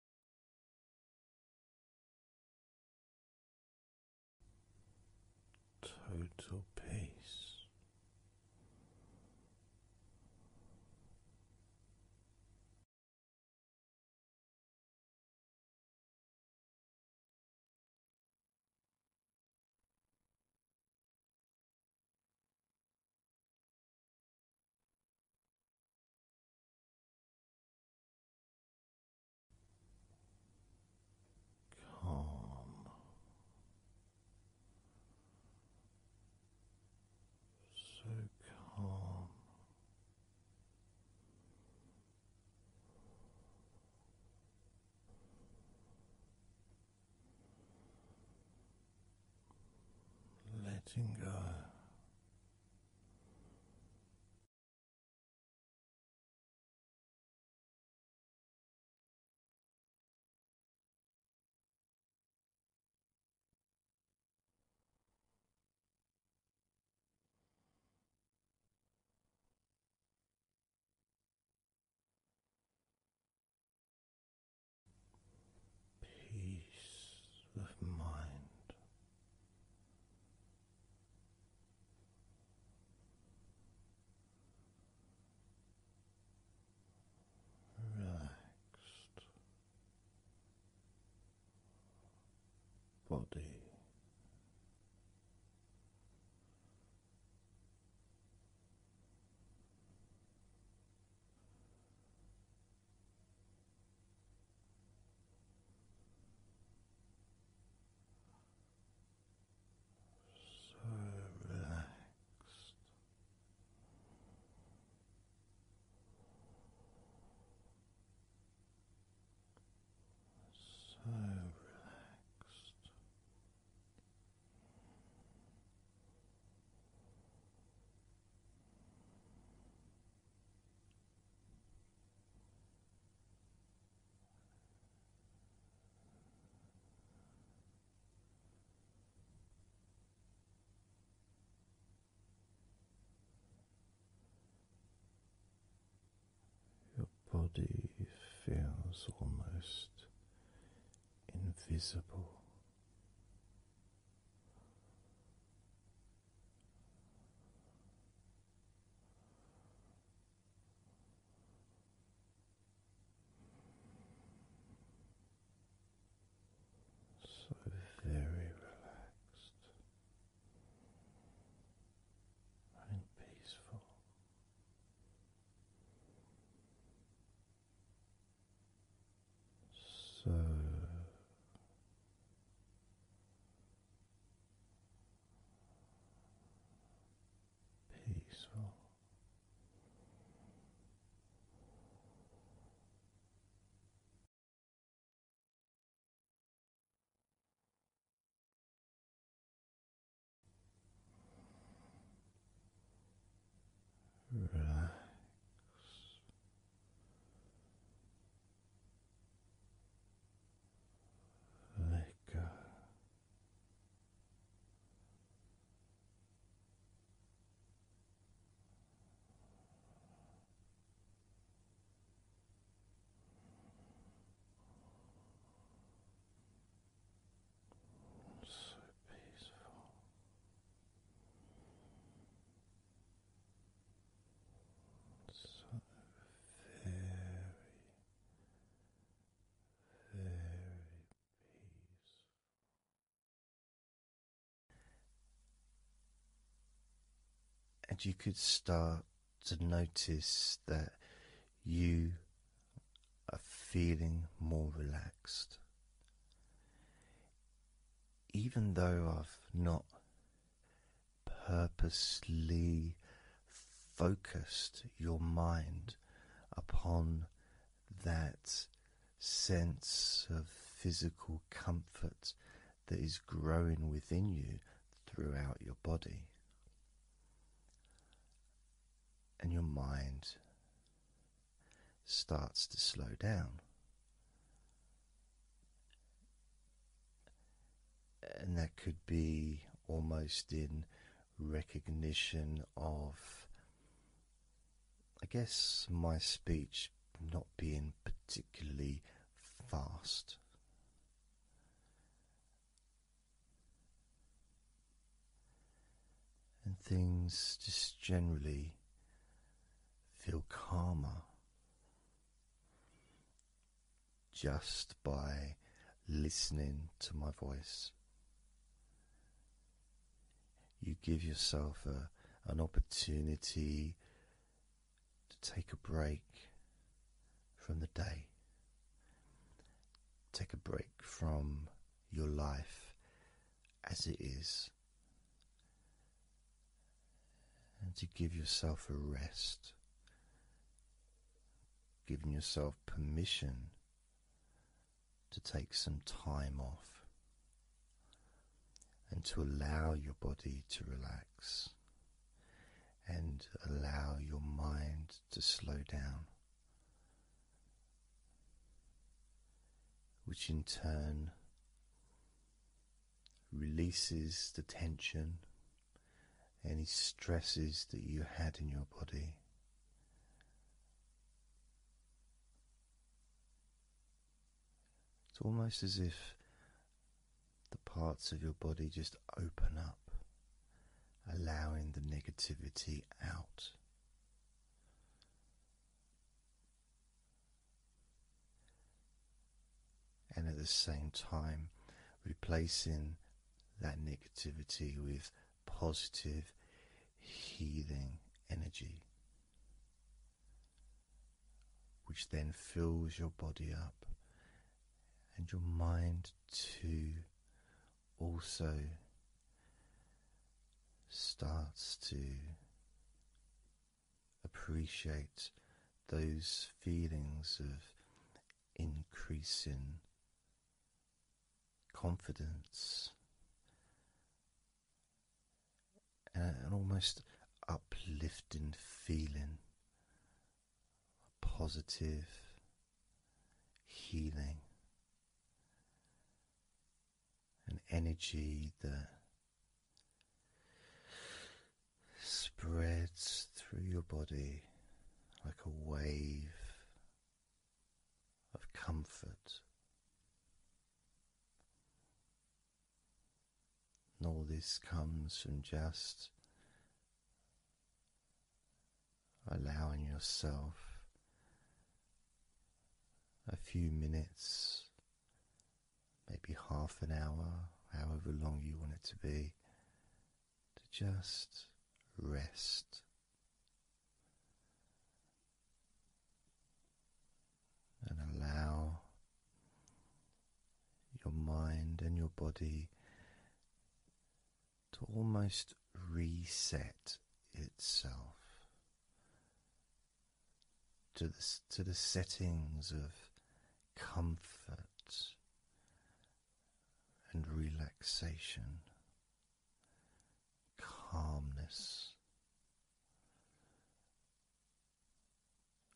Total peace. Calm, so calm, letting go. Peace of mind, relaxed body. So relaxed. So relaxed. Your body feels almost invisible. So very relaxed and peaceful. So peaceful. Relax let go. So peaceful very, very peaceful. And you could start to notice that you are feeling more relaxed. Even though I've not Purposefully focused your mind upon that sense of physical comfort that is growing within you throughout your body and your mind starts to slow down and that could be almost in recognition of, I guess, my speech not being particularly fast. And things just generally feel calmer just by listening to my voice. You give yourself an opportunity to take a break from the day, take a break from your life as it is, and to give yourself a rest giving yourself permission to take some time off and to allow your body to relax and allow your mind to slow down, which in turn releases the tension any stresses that you had in your body. It's almost as if the parts of your body just open up, allowing the negativity out and at the same time replacing that negativity with positive healing energy, which then fills your body up and your mind too also starts to appreciate those feelings of increasing confidence and uh, an almost uplifting feeling, positive healing, an energy that spreads through your body like a wave of comfort. And all this comes from just allowing yourself a few minutes, maybe half an hour, however long you want it to be, to just rest. And allow your mind and your body to almost reset itself to the, to the settings of comfort and relaxation, calmness,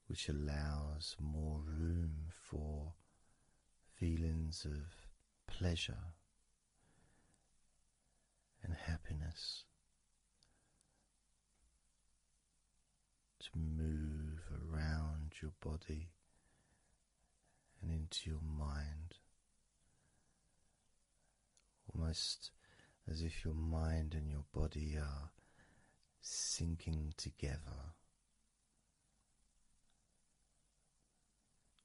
which allows more room for feelings of pleasure and happiness. To move around your body and into your mind, almost as if your mind and your body are sinking together,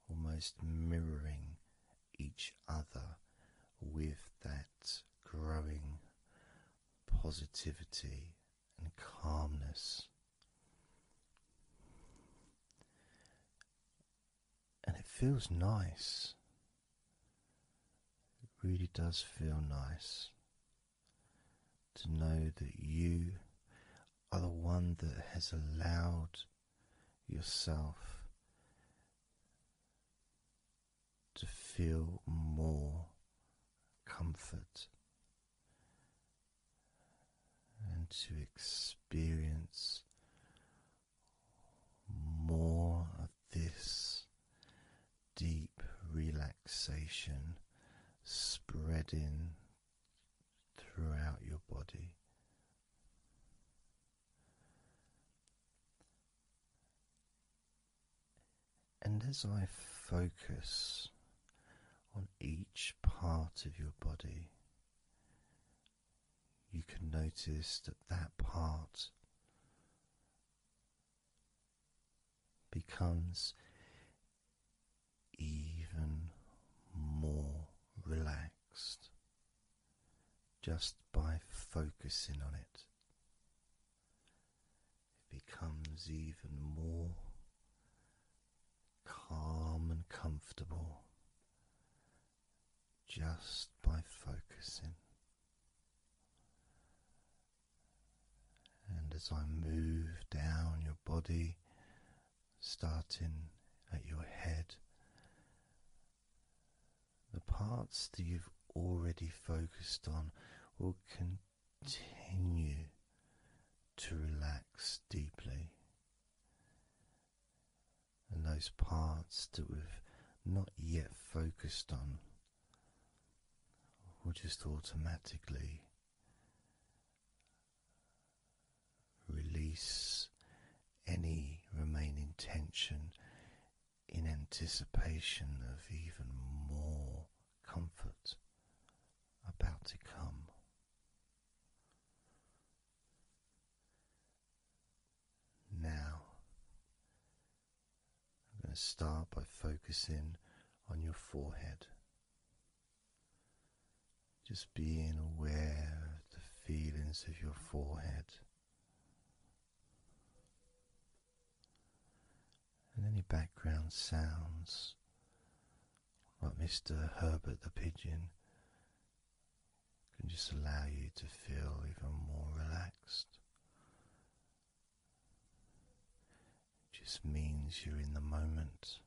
almost mirroring each other with that growing positivity and calmness. And it feels nice. It really does feel nice to know that you are the one that has allowed yourself to feel more comfort and to experience more of this deep relaxation spreading throughout your body. And as I focus on each part of your body. You can notice that that part becomes even more relaxed just by focusing on it. It becomes even more calm and comfortable just by focusing. And as I move down your body, starting at your head, the parts that you've already focused on will continue to relax deeply. And those parts that we've not yet focused on will just automatically release any remaining tension in anticipation of even more comfort about to come. Now, I'm going to start by focusing on your forehead. Just being aware of the feelings of your forehead and any background sounds like Mr. Herbert the Pigeon, can just allow you to feel even more relaxed. It just means you're in the moment.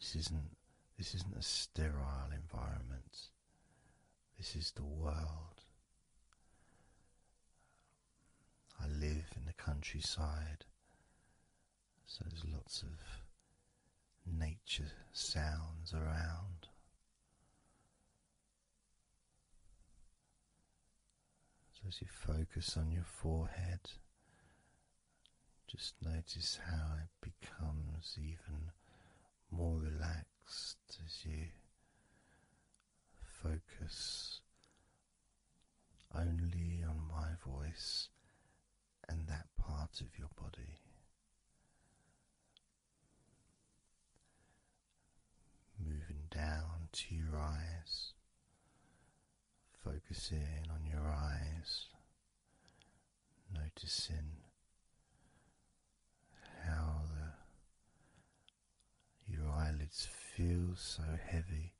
This isn't this isn't a sterile environment. This is the world. I live in the countryside. So there's lots of nature sounds around. So as you focus on your forehead, just notice how it becomes even more relaxed as you focus only on my voice and that part of your body. Moving down to your eyes, focusing on your eyes, noticing how the, your eyelids feel so heavy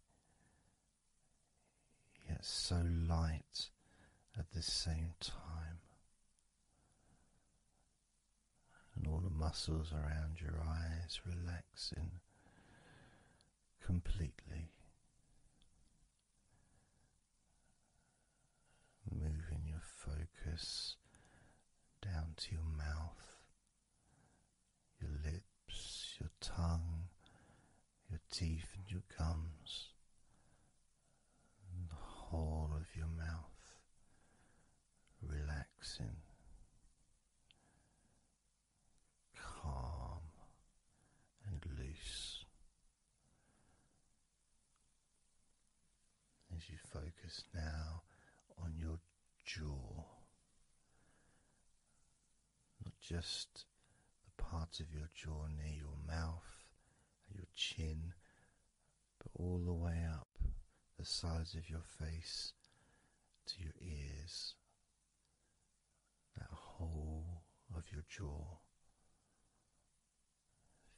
yet so light at the same time. And all the muscles around your eyes relaxing completely, moving your focus down to your mouth your lips, your tongue, your teeth, and your gums, and the whole of your mouth relaxing. Calm and loose as you focus now on your jaw, not just the parts of your jaw near your mouth your chin, but all the way up the sides of your face to your ears, that whole of your jaw,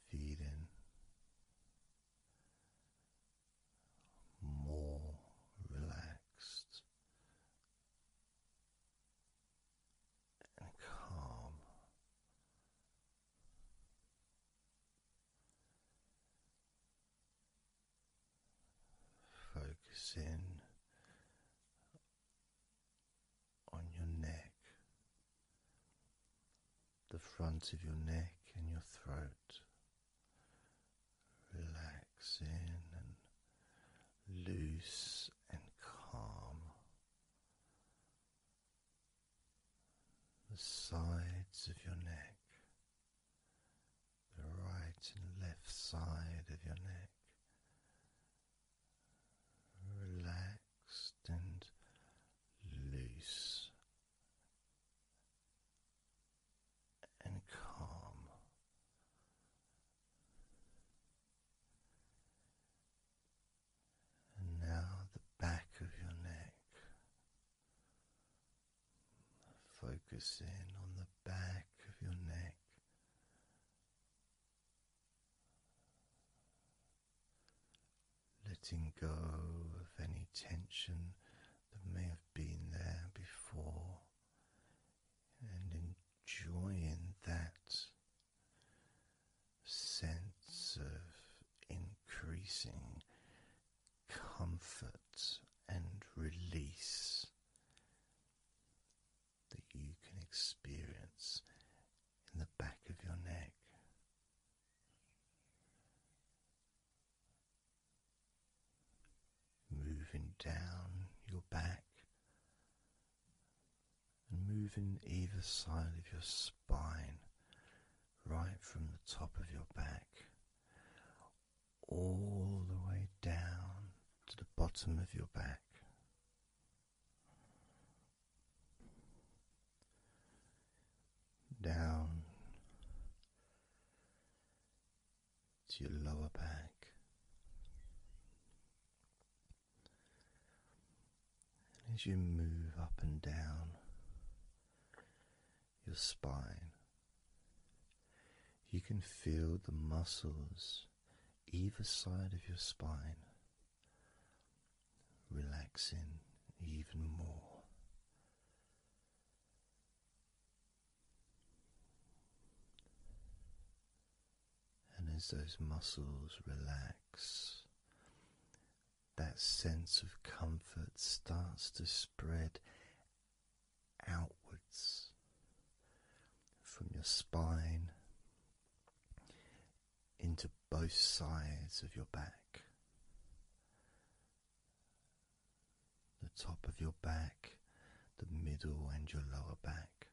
feeling more relaxed, and calm. Focus in on your neck, the front of your neck and your throat. Relax relaxing and loose and calm. The sides of your neck, the right and left side of your neck, relaxed and loose. And calm, and now the back of your neck. Focus on the back of your neck. Letting go of any tension that may have been there before and Joy in that sense of increasing comfort and release that you can experience in the back of your neck. Moving down your back moving either side of your spine, right from the top of your back, all the way down to the bottom of your back. Down to your lower back. And as you move up and down your spine, you can feel the muscles either side of your spine relaxing even more. And as those muscles relax, that sense of comfort starts to spread outwards from your spine into both sides of your back. The top of your back, the middle, and your lower back.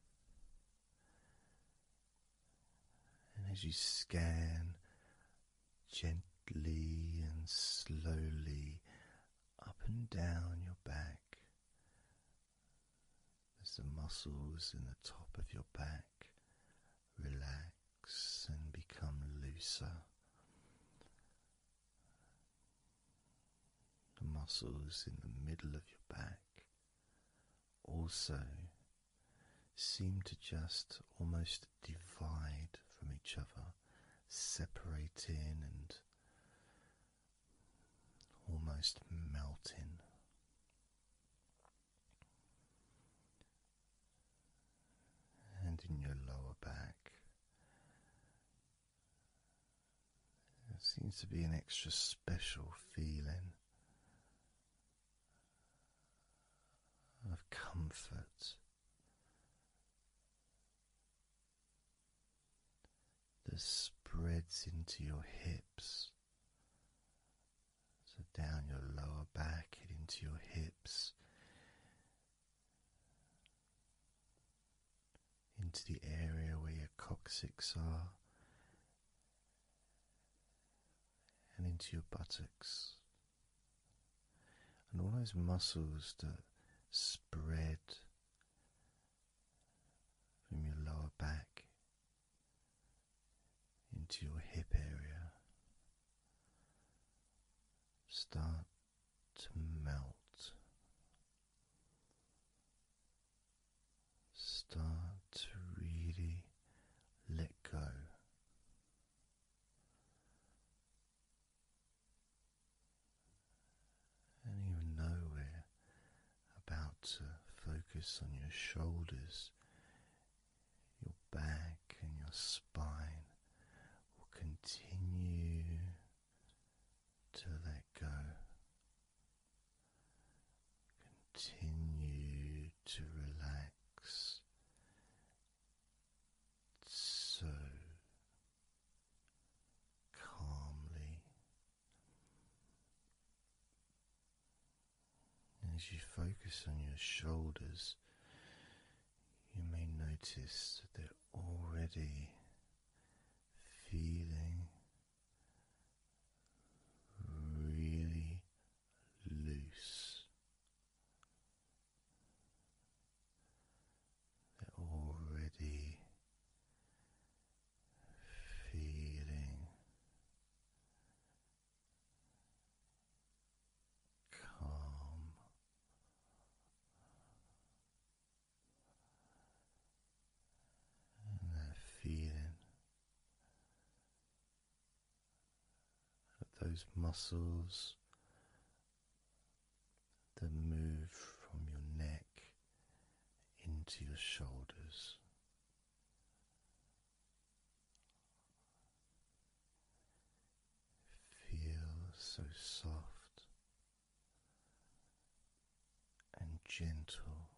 And as you scan gently and slowly up and down your back, as the muscles in the top of your back relax and become looser, the muscles in the middle of your back also seem to just almost divide from each other, separating and almost melting. And in your lower back, there seems to be an extra special feeling of comfort that spreads into your hips. So down your lower back and into your hips, into the area where your coccyx are and into your buttocks. And all those muscles that spread from your lower back into your hip area start to melt Start to really let go. And even though we're about to focus on your shoulders, your back and your spine will continue to let go Continue to relax so calmly as you focus on your shoulders. You may notice that they're already feeling really loose. They're already feeling calm. And they're feeling those muscles that move from your neck into your shoulders. Feel so soft and gentle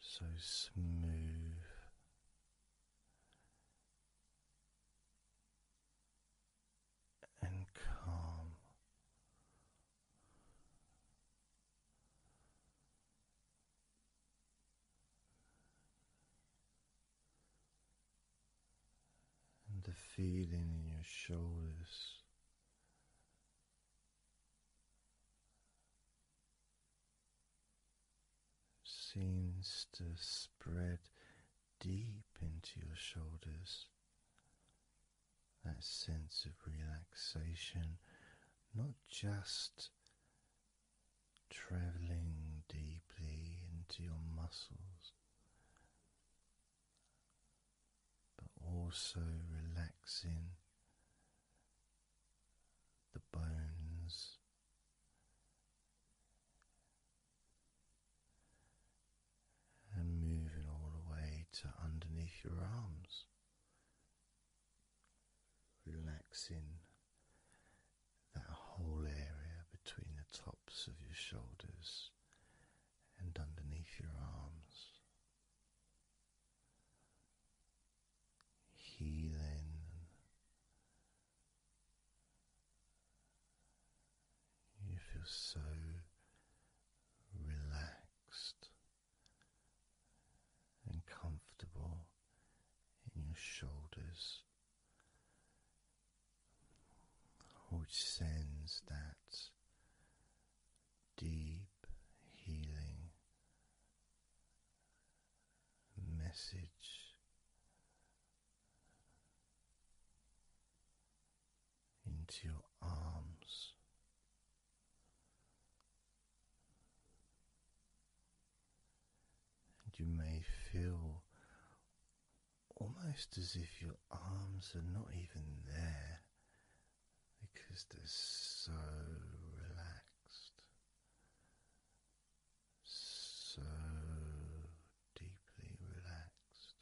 so smooth. And calm, and the feeling in your shoulders seems to spread deep into your shoulders. That sense of relaxation, not just traveling deeply into your muscles, but also relaxing the bones. And moving all the way to underneath your arms, relaxing that whole area between the tops of your shoulders and underneath your arms, healing you feel so relaxed and comfortable in your shoulders, which sends that deep healing message into your arms. And you may feel almost as if your arms are not even there, because they're so relaxed, so deeply relaxed.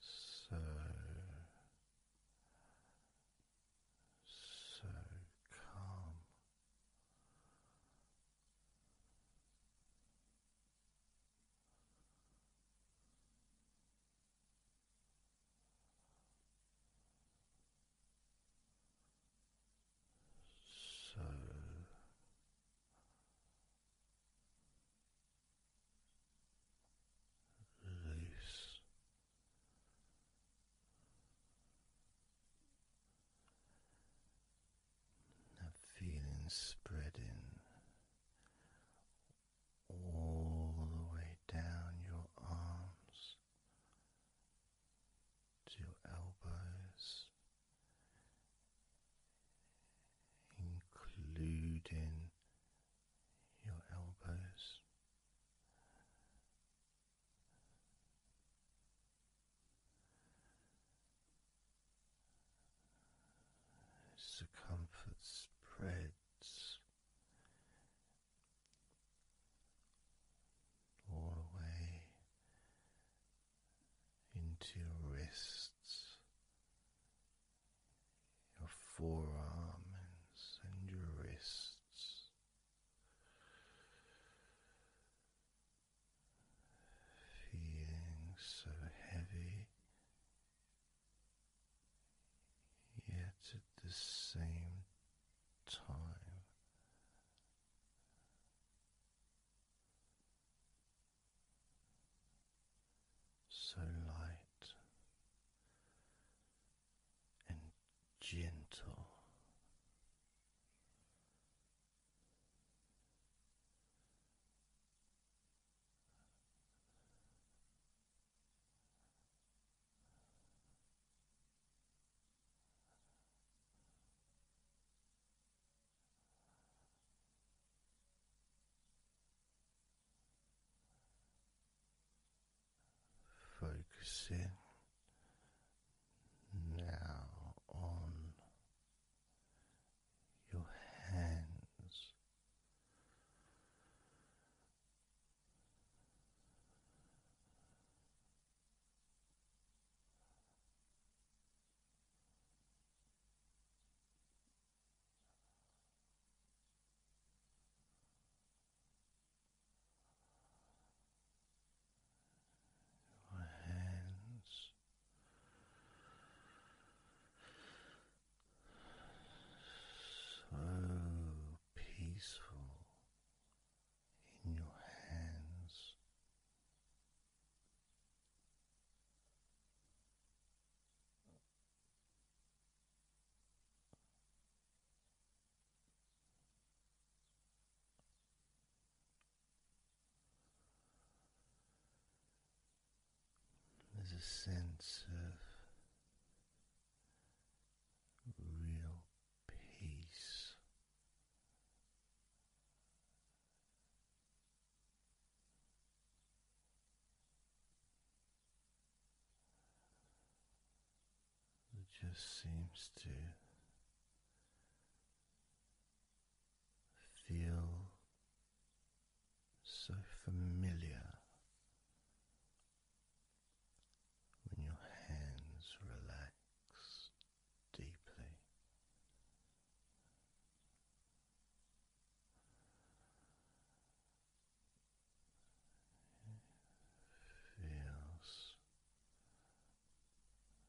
So, so calm, so release that feeling spreading all the way down your arms to your elbows, including your elbows the comfort spreads all the way into your wrists, your forearms, and your wrists feeling so heavy, yet at the same time so light and gentle. Focusing now on your hands. Your hands so peaceful in your hands. There's a sense of real peace. It just seems to feel so familiar when your hands relax deeply. feels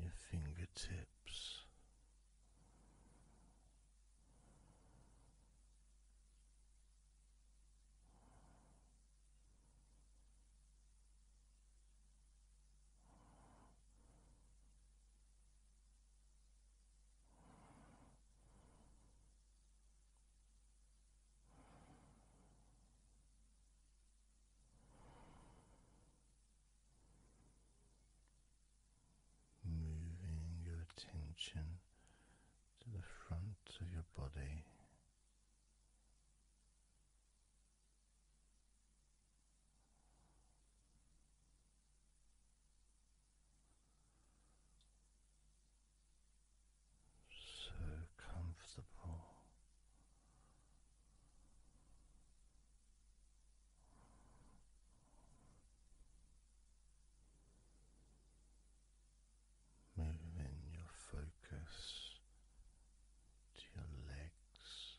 your fingertips. Moving your attention to the front of your body. So comfortable Moving your focus to your legs,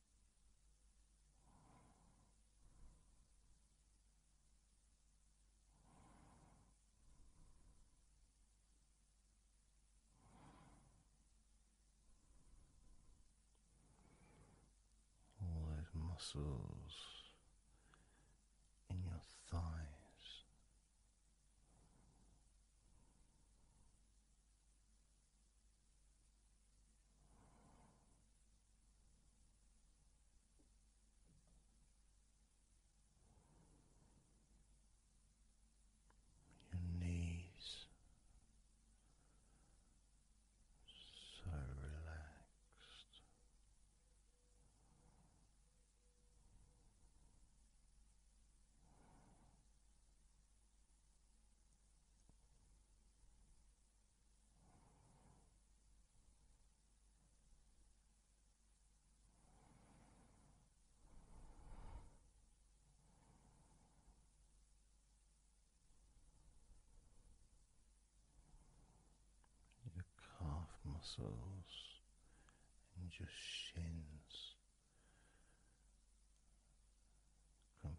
all those muscles in your thighs. Your knees so relaxed. Your calf muscles and your shins completely.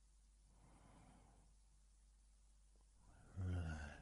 relaxed. Relax.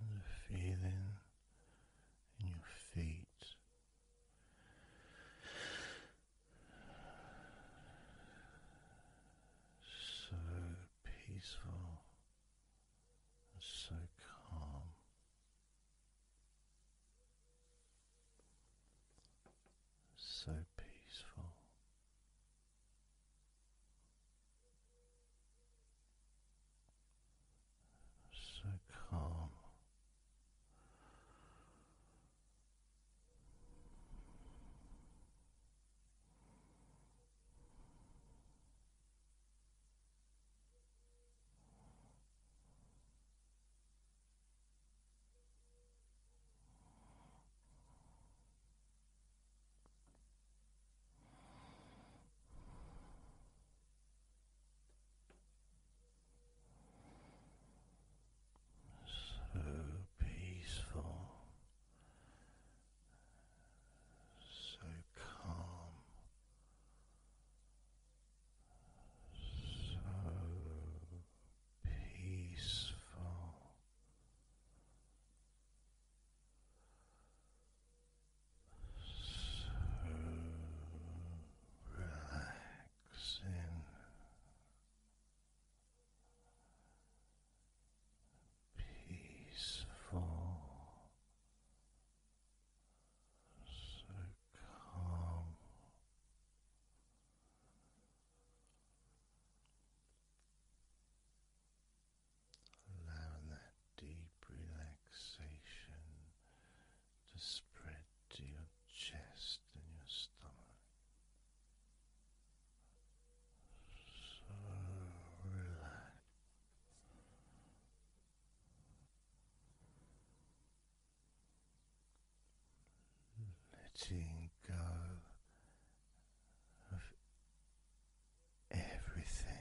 And the feeling in your feet. So peaceful so calm. So peaceful. So calm. So peaceful so calm, so peaceful. So relaxing, peaceful, so calm. Allowing that deep relaxation to spread to your chest and your stomach, so relaxed. Letting go of everything.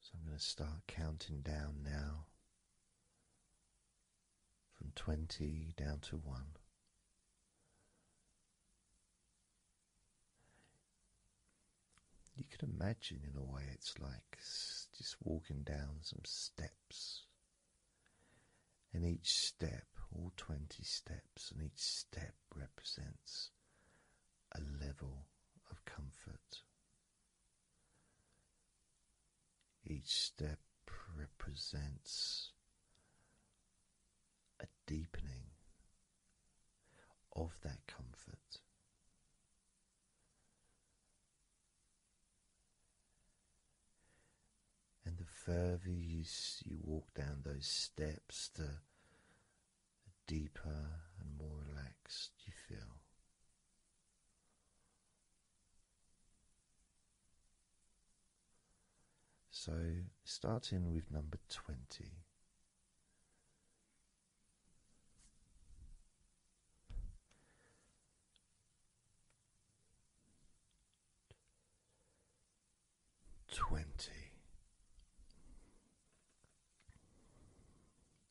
So I'm going to start counting down now from 20 down to 1. You can imagine, in a way, it's like just walking down some steps. And each step, all 20 steps, and each step represents a level of comfort. Each step represents a deepening of that comfort. And the further you, you walk down those steps, the the deeper and more relaxed you feel. So, starting with number 20. Twenty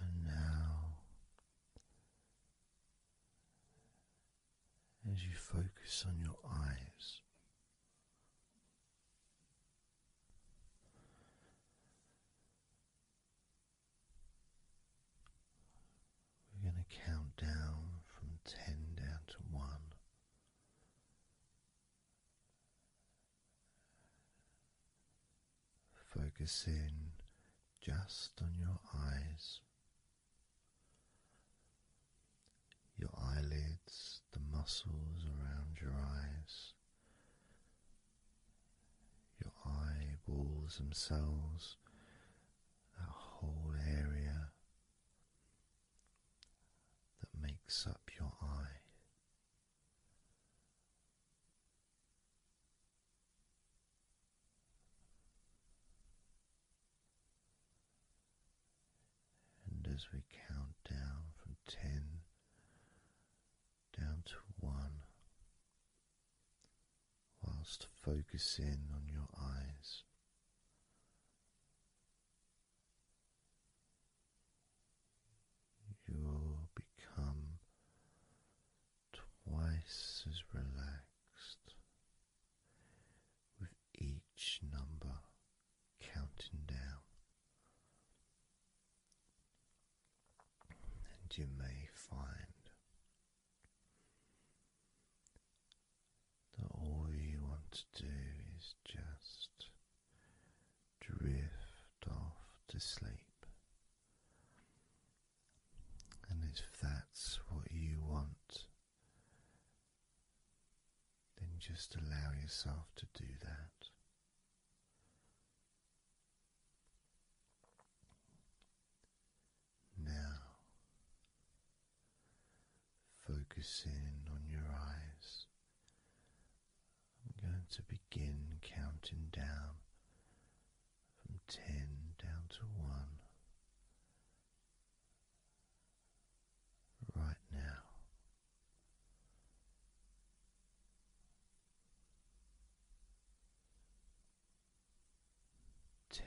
And now, as you focus on your eyes, we're going to count down from ten down to one. Focus in just on your eyes, your eyelids, the muscles around your eyes, your eyeballs themselves, that whole area that makes up your eye. And as we count down from ten down to one, whilst focusing on your eyes you'll become twice as relaxed with each number counting down. And you may find that all you want to do is just drift off to sleep. And if that's what you want, then just allow yourself to do that. Now, focusing on your eyes I'm going to begin counting down from ten down to one right now. Ten.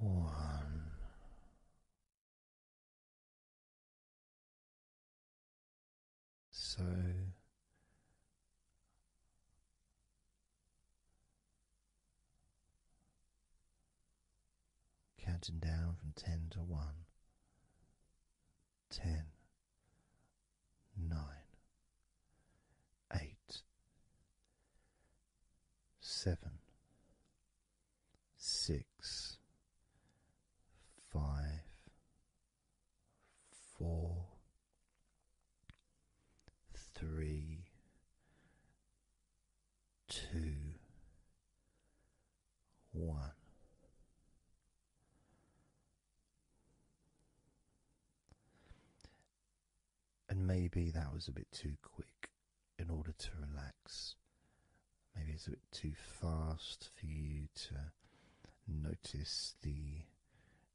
One. So counting down from ten to one, ten, nine, eight, seven, six, five, four, three, two, one. And maybe that was a bit too quick in order to relax. Maybe it's a bit too fast for you to notice the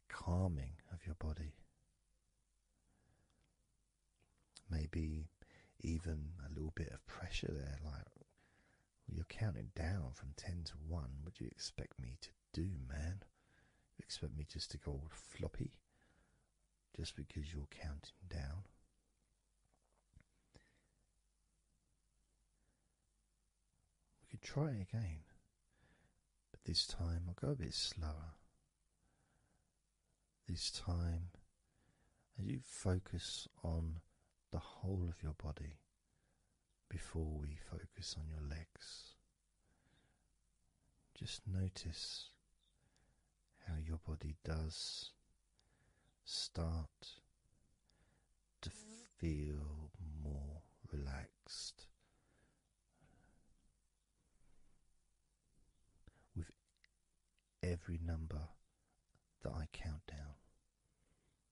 calming of your body. Maybe even a little bit of pressure there, like you're counting down from 10 to 1. What do you expect me to do, man? You expect me just to go all floppy just because you're counting down? We could try again, but this time I'll go a bit slower. This time, as you focus on the whole of your body before we focus on your legs. Just notice how your body does start to feel more relaxed with every number that I count down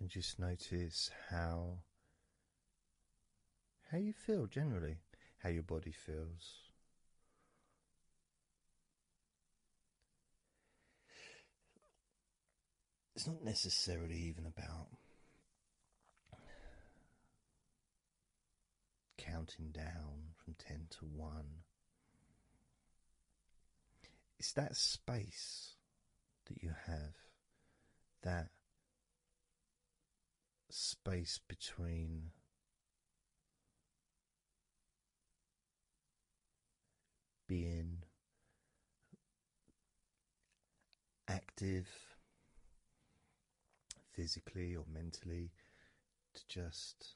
and just notice how how you feel generally, how your body feels. It's not necessarily even about counting down from 10 to 1. It's that space that you have, that space between being active physically or mentally to just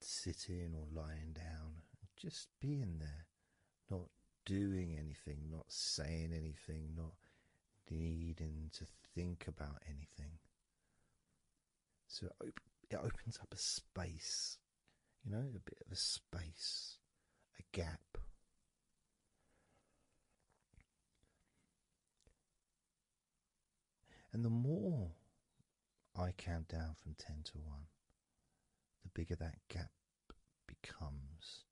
sitting or lying down, just being there, not doing anything, not saying anything, not needing to think about anything. So it, it opens up a space, you know, a bit of a space, a gap. And the more I count down from 10 to 1, the bigger that gap becomes.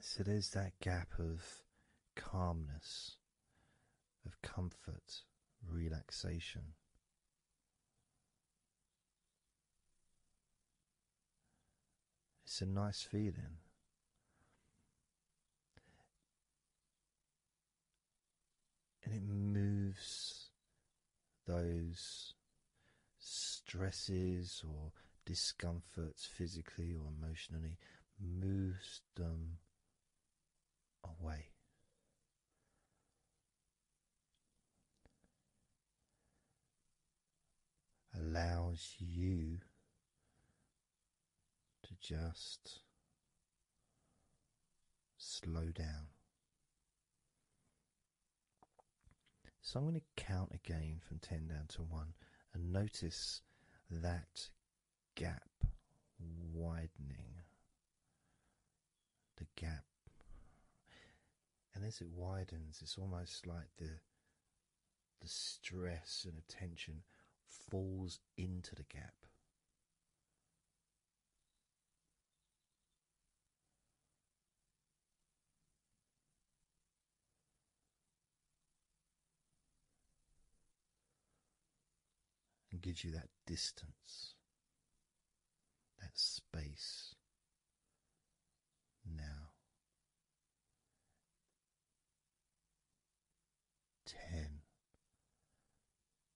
So there's that gap of calmness, of comfort, relaxation. It's a nice feeling and it moves those stresses or discomforts physically or emotionally, moves them away. Allows you to just slow down. So I'm going to count again from 10 down to 1 and notice that gap widening. The gap. And as it widens, it's almost like the the stress and attention falls into the gap and gives you that distance, that space now. Ten,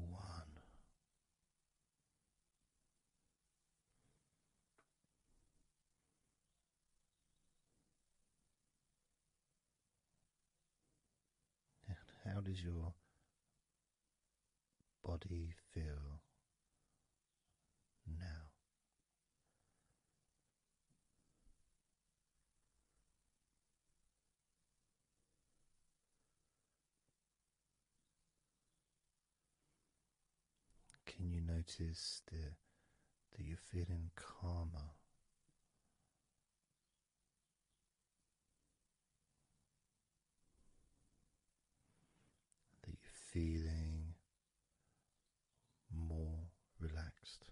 one. how does your body feel now? Can you notice that, that you're feeling calmer? That you're feeling more relaxed.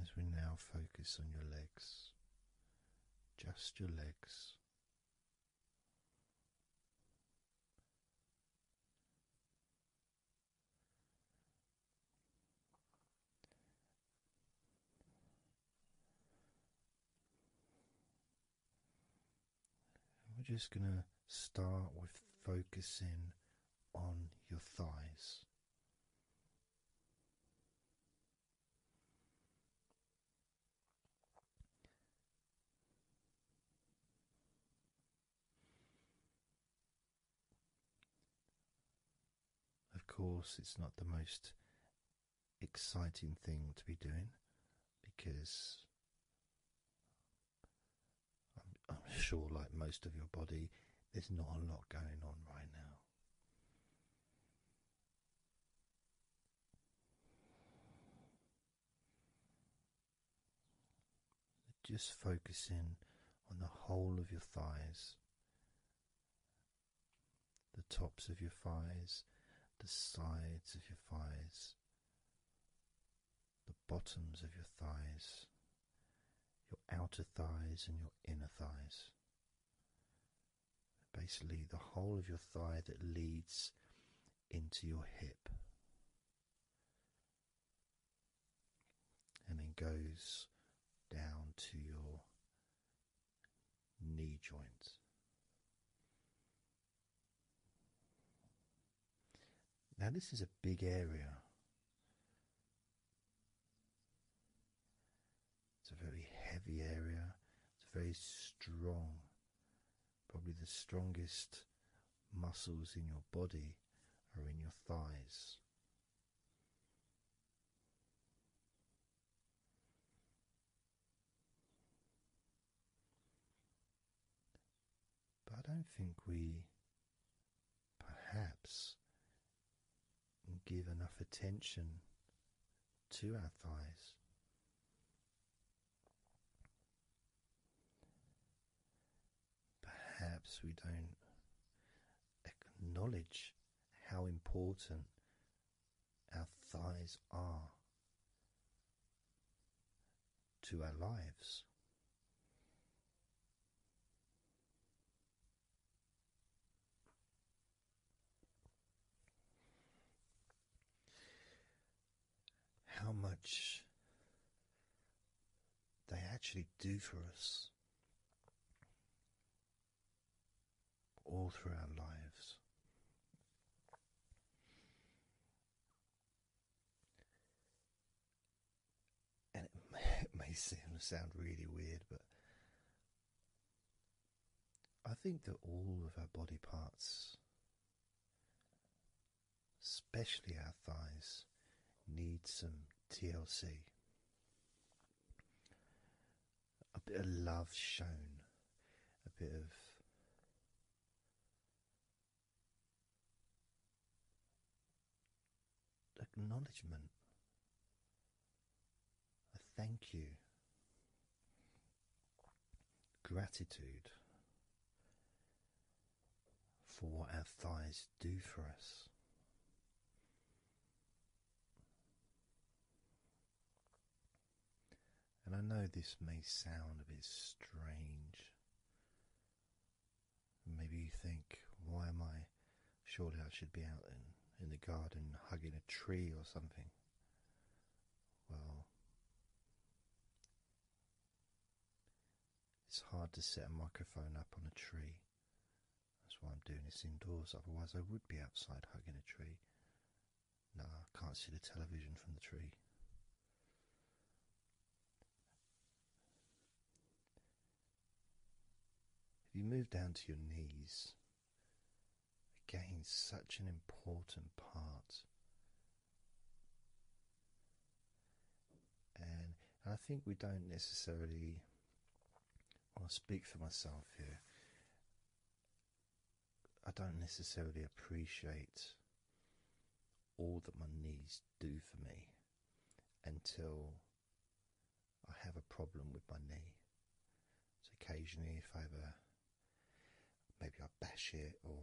As we now focus on your legs, just your legs, we're just going to start with focusing on your thighs. Of course, it's not the most exciting thing to be doing because I'm, sure, like most of your body, there's not a lot going on right now. Just focus in on the whole of your thighs, the tops of your thighs, the sides of your thighs, the bottoms of your thighs, your outer thighs, and your inner thighs basically the whole of your thigh that leads into your hip and then goes down to your knee joint. Now, this is a big area. It's a very heavy area. It's a very strong Probably the strongest muscles in your body are in your thighs. But I don't think we perhaps give enough attention to our thighs. Perhaps we don't acknowledge how important our thighs are to our lives how much they actually do for us all through our lives. And it may, it may sound really weird, but I think that all of our body parts, especially our thighs, need some TLC. A bit of love shown, a bit of acknowledgement, a thank you gratitude for what our thighs do for us. And I know this may sound a bit strange. Maybe you think, why am I? Surely I should be out in, in the garden hugging a tree or something. Well, it's hard to set a microphone up on a tree. That's why I'm doing this indoors, otherwise, I would be outside hugging a tree. No, I can't see the television from the tree. If you move down to your knees, Again, such an important part. And, I think we don't necessarily, I'll speak for myself here, I don't necessarily appreciate all that my knees do for me until I have a problem with my knee. So, occasionally, if I ever. Maybe I bash it or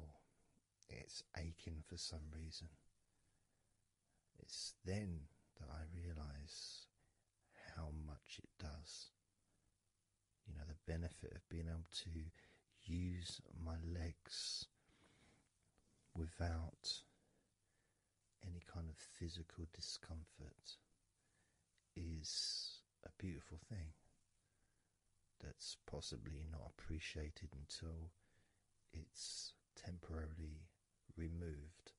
it's aching for some reason. It's then that I realize how much it does. You know, the benefit of being able to use my legs without any kind of physical discomfort is a beautiful thing that's possibly not appreciated until it's temporarily removed.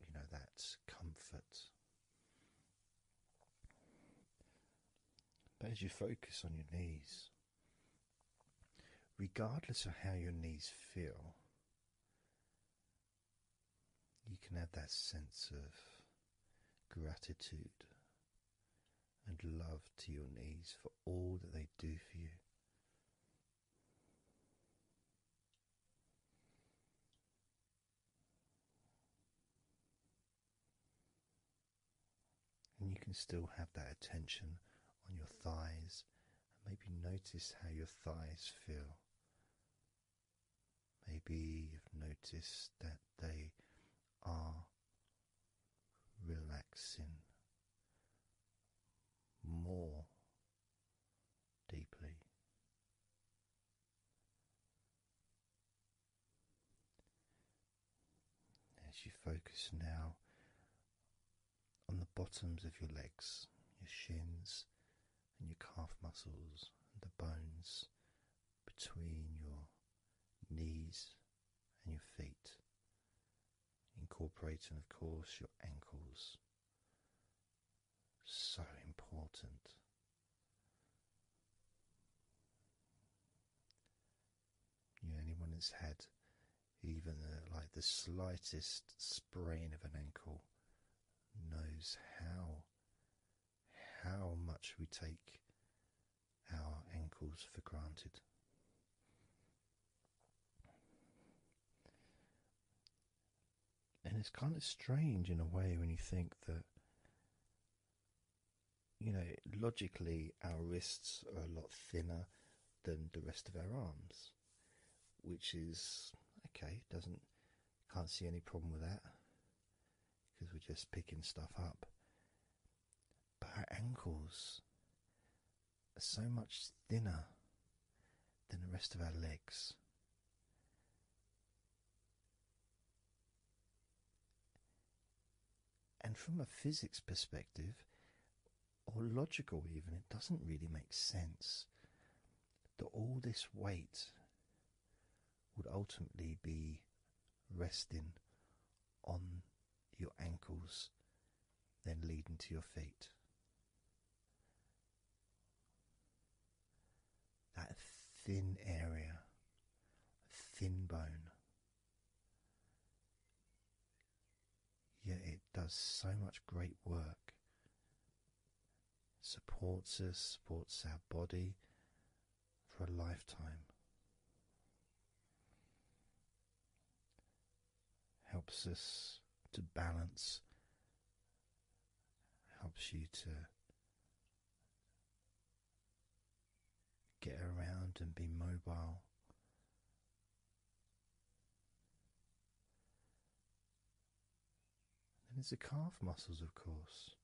You know, that comfort. But as you focus on your knees, regardless of how your knees feel, you can have that sense of gratitude and love to your knees for all that they do for you. And you can still have that attention on your thighs and maybe notice how your thighs feel. Maybe you've noticed that they are relaxing more deeply. As you focus now on the bottoms of your legs, your shins, and your calf muscles, and the bones between your knees and your feet, incorporating, of course, your ankles. So important. You know, anyone that's had even the, like the slightest sprain of an ankle knows how how much we take our ankles for granted. And it's kind of strange in a way when you think that, you know, logically our wrists are a lot thinner than the rest of our arms, which is okay, doesn't, can't see any problem with that because we're just picking stuff up. But her ankles are so much thinner than the rest of our legs. And from a physics perspective, or logical even, it doesn't really make sense that all this weight would ultimately be resting on your ankles, then leading to your feet. That thin area, thin bone. Yet it does so much great work. Supports us, supports our body, for a lifetime. Helps us to balance, helps you to get around and be mobile. And it's the calf muscles, of course.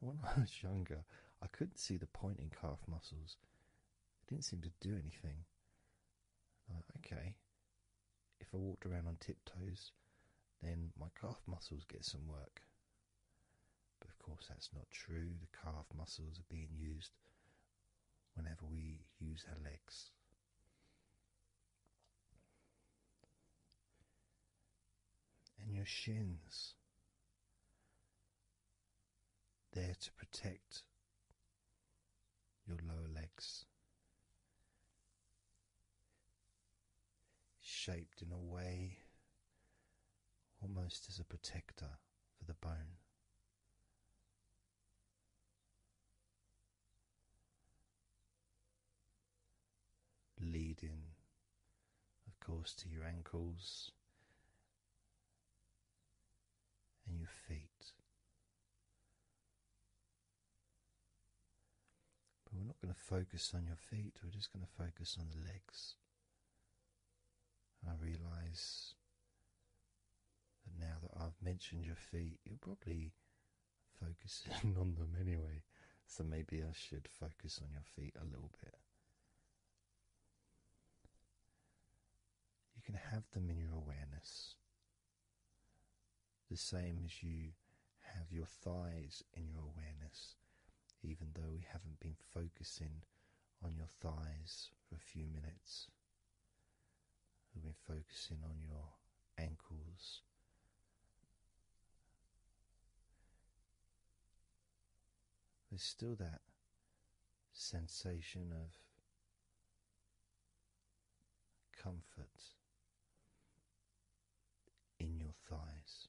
When I was younger, I couldn't see the point in calf muscles. They didn't seem to do anything. okay, if I walked around on tiptoes, then my calf muscles get some work. But of course, that's not true. The calf muscles are being used whenever we use our legs and your shins, there to protect your lower legs, shaped in a way almost as a protector for the bone leading, of course, to your ankles and your feet. But we're not going to focus on your feet, we're just going to focus on the legs. And I realize that now that I've mentioned your feet, you're probably focusing on them anyway, so maybe I should focus on your feet a little bit. You can have them in your awareness, the same as you have your thighs in your awareness, even though we haven't been focusing on your thighs for a few minutes. We've been focusing on your ankles there's still that sensation of comfort in your thighs.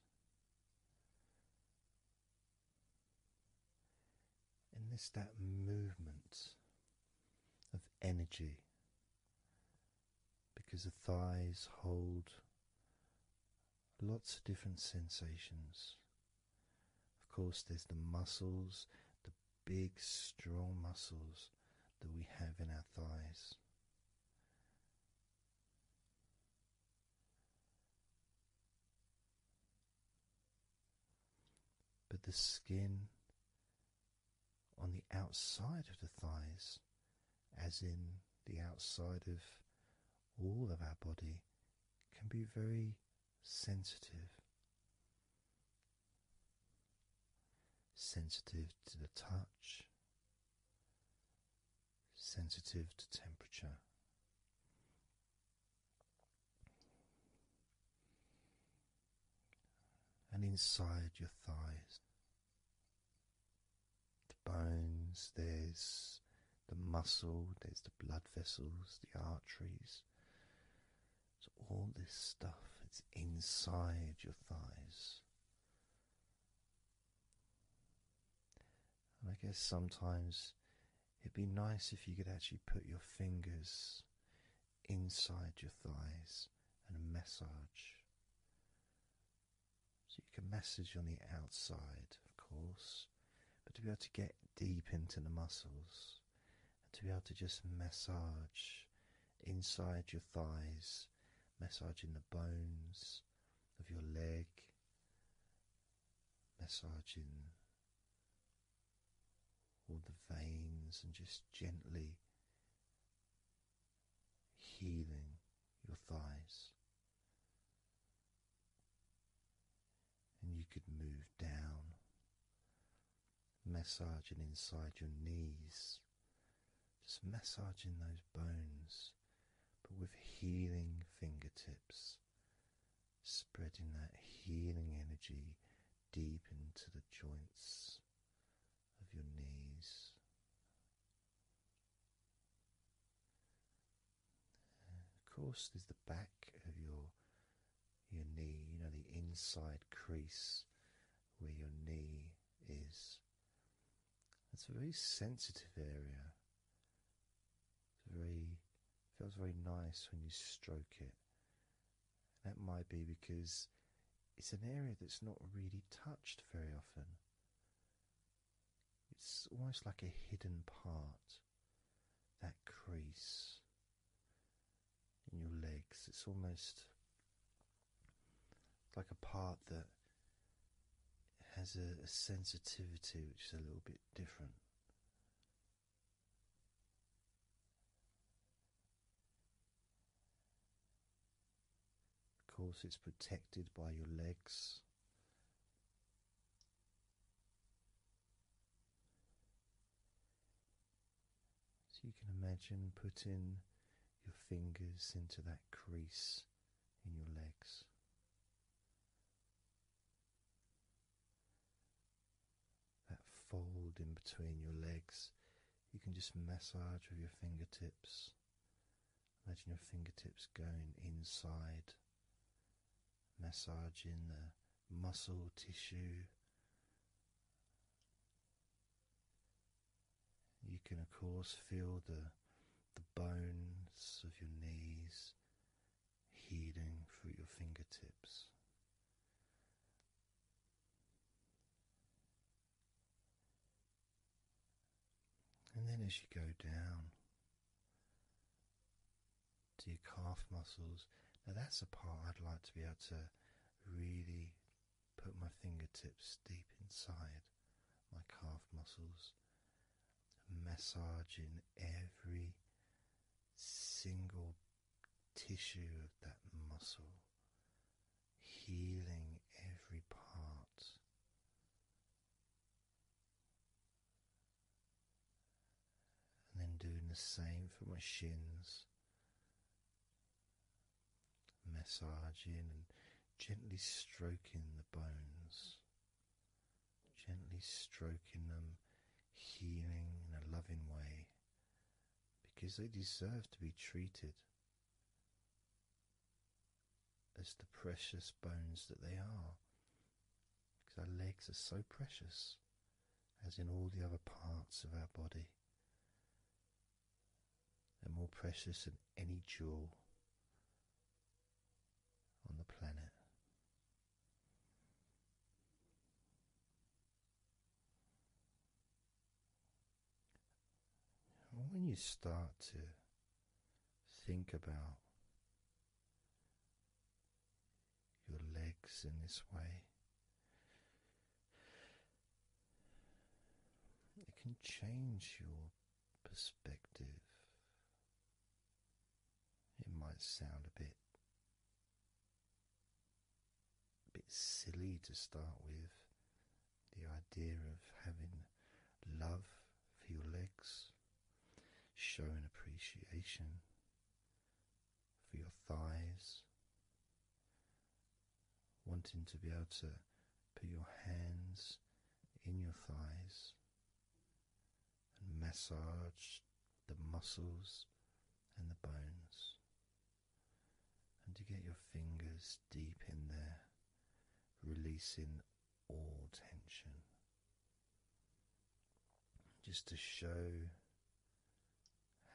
And there's that movement of energy because the thighs hold lots of different sensations. Of course, there's the muscles, the big, strong muscles that we have in our thighs. But the skin on the outside of the thighs as in the outside of all of our body, can be very sensitive. Sensitive to the touch, sensitive to temperature. And inside your thighs, the bones, there's the muscle, there's the blood vessels, the arteries. So, all this stuff it's inside your thighs. And I guess sometimes it'd be nice if you could actually put your fingers inside your thighs and massage so you can massage on the outside, of course, but to be able to get deep into the muscles and to be able to just massage inside your thighs, massaging the bones of your leg, massaging all the veins, and just gently healing your thighs. And you could move down, massaging inside your knees, just massaging those bones, but with healing fingertips, spreading that healing energy deep into the joints of your knees of course, there's the back of your your knee, you know, the inside crease where your knee is. It's a very sensitive area. It's very feels very nice when you stroke it. That might be because it's an area that's not really touched very often. It's almost like a hidden part, that crease in your legs. It's almost like a part that has a, sensitivity which is a little bit different. Of course, it's protected by your legs. So you can imagine putting your fingers into that crease in your legs. That fold in between your legs, you can just massage with your fingertips. Imagine your fingertips going inside, massaging the muscle tissue. You can, of course, feel the, the bones of your knees healing through your fingertips. And then as you go down to your calf muscles, now that's a part I'd like to be able to really put my fingertips deep inside my calf muscles, massaging every single tissue of that muscle, healing every part. And then doing the same for my shins, massaging and gently stroking the bones, gently stroking them, healing in a loving way because they deserve to be treated as the precious bones that they are. Because our legs are so precious, as in all the other parts of our body. They're more precious than any jewel on the planet. When you start to Think about your legs in this way. It can change your perspective. It might sound a bit a bit silly to start with the idea of having love for your legs Showing appreciation for your thighs, wanting to be able to put your hands in your thighs and massage the muscles and the bones, and to get your fingers deep in there, releasing all tension. Just to show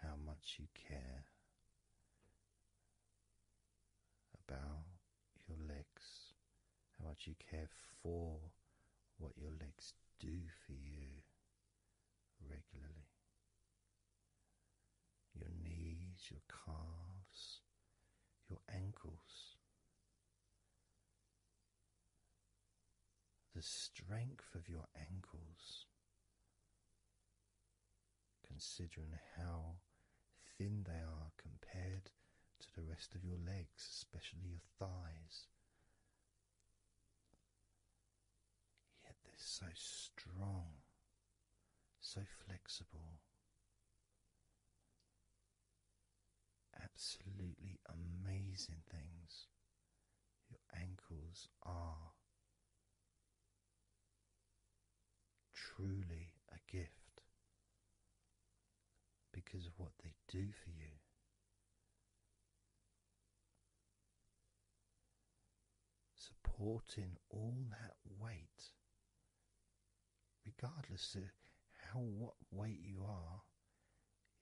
how much you care about your legs, how much you care for what your legs do for you regularly. Your knees, your calves, your ankles. The strength of your ankles, considering how thin they are compared to the rest of your legs, especially your thighs. Yet they're so strong, so flexible absolutely amazing things. Your ankles are truly a gift because of what they do for you. Supporting all that weight regardless of how what weight you are,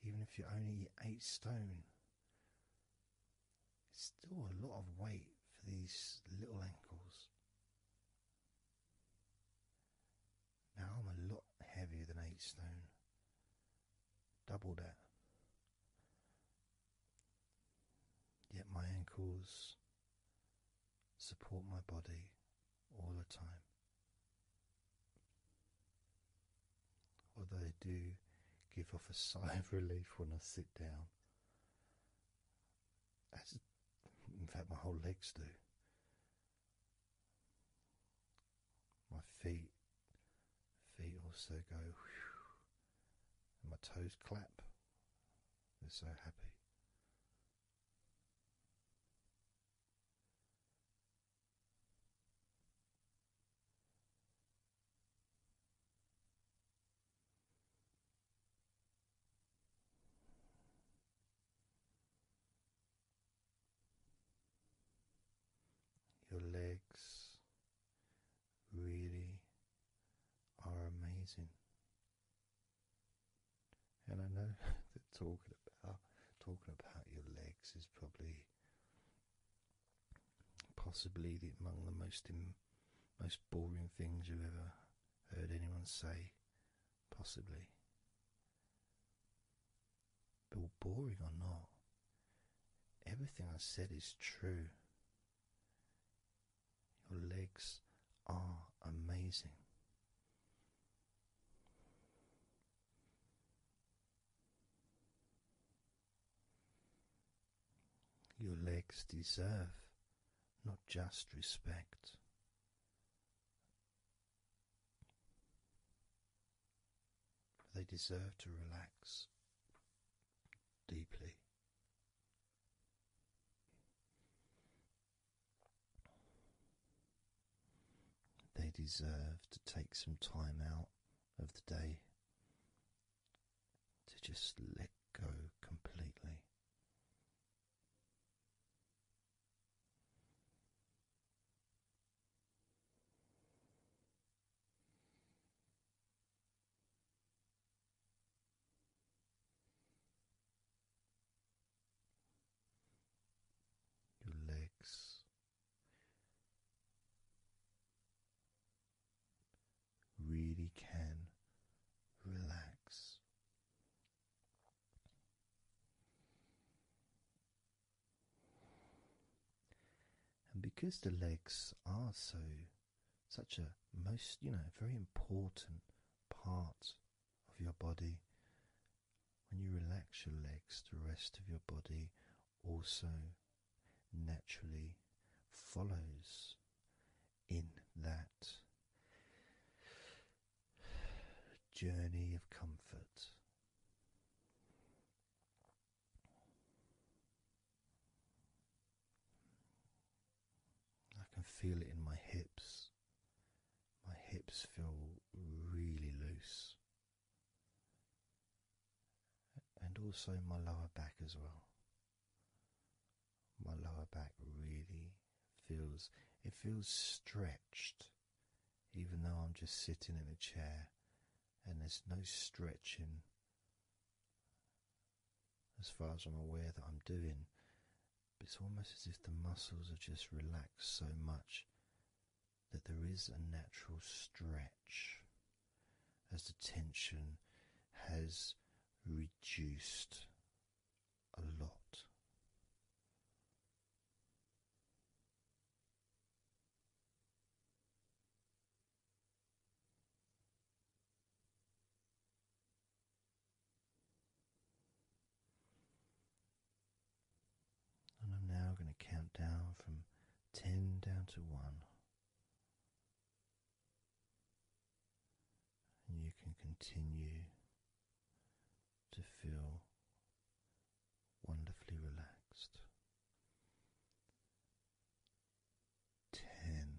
even if you're only eight stone, it's still a lot of weight for these little ankles. Now I'm a lot heavier than eight stone, double that. Yet my ankles support my body all the time. Although I do give off a sigh of relief when I sit down. As in fact, my whole legs do. My feet, feet also go, and my toes clap. They're so happy. Your legs really are amazing. And I know that talking about talking about your legs is probably possibly the, among the most most boring things you've ever heard anyone say, possibly. But boring or not, everything I said is true. Your legs are amazing. Your legs deserve not just respect. They deserve to relax deeply. They deserve to take some time out of the day to just let go completely your legs, really can relax. And because the legs are so such a most you know very important part of your body when you relax your legs, the rest of your body also naturally follows in that journey of comfort. I can feel it in my hips. My hips feel really loose, and also my lower back as well. My lower back really feels it feels stretched, even though I'm just sitting in a chair and there's no stretching. As far as I'm aware that I'm doing, but it's almost as if the muscles are just relaxed so much that there is a natural stretch as the tension has reduced a lot. And I'm now going to count down from 10 down to 1. And you can continue to feel wonderfully relaxed. 10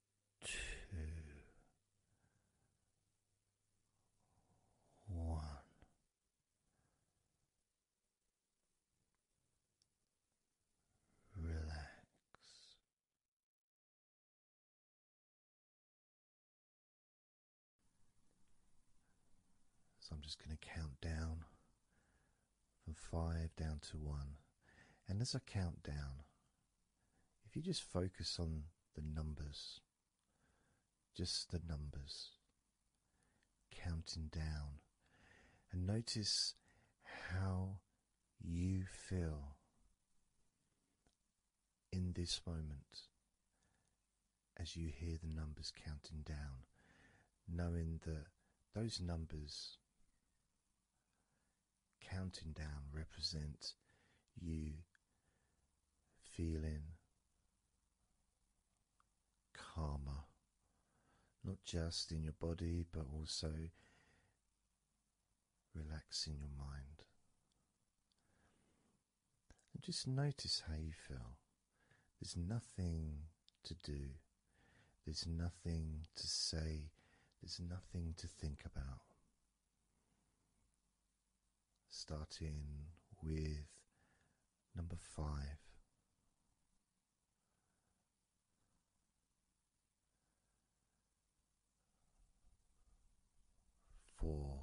two, one. Relax. So I'm just going to count down from five down to one. And as I count down, if you just focus on the numbers, just the numbers, counting down, and notice how you feel in this moment as you hear the numbers counting down, knowing that those numbers counting down represents you feeling calmer, not just in your body but also relaxing your mind. And just notice how you feel. There's nothing to do, there's nothing to say, there's nothing to think about starting with number five. Four,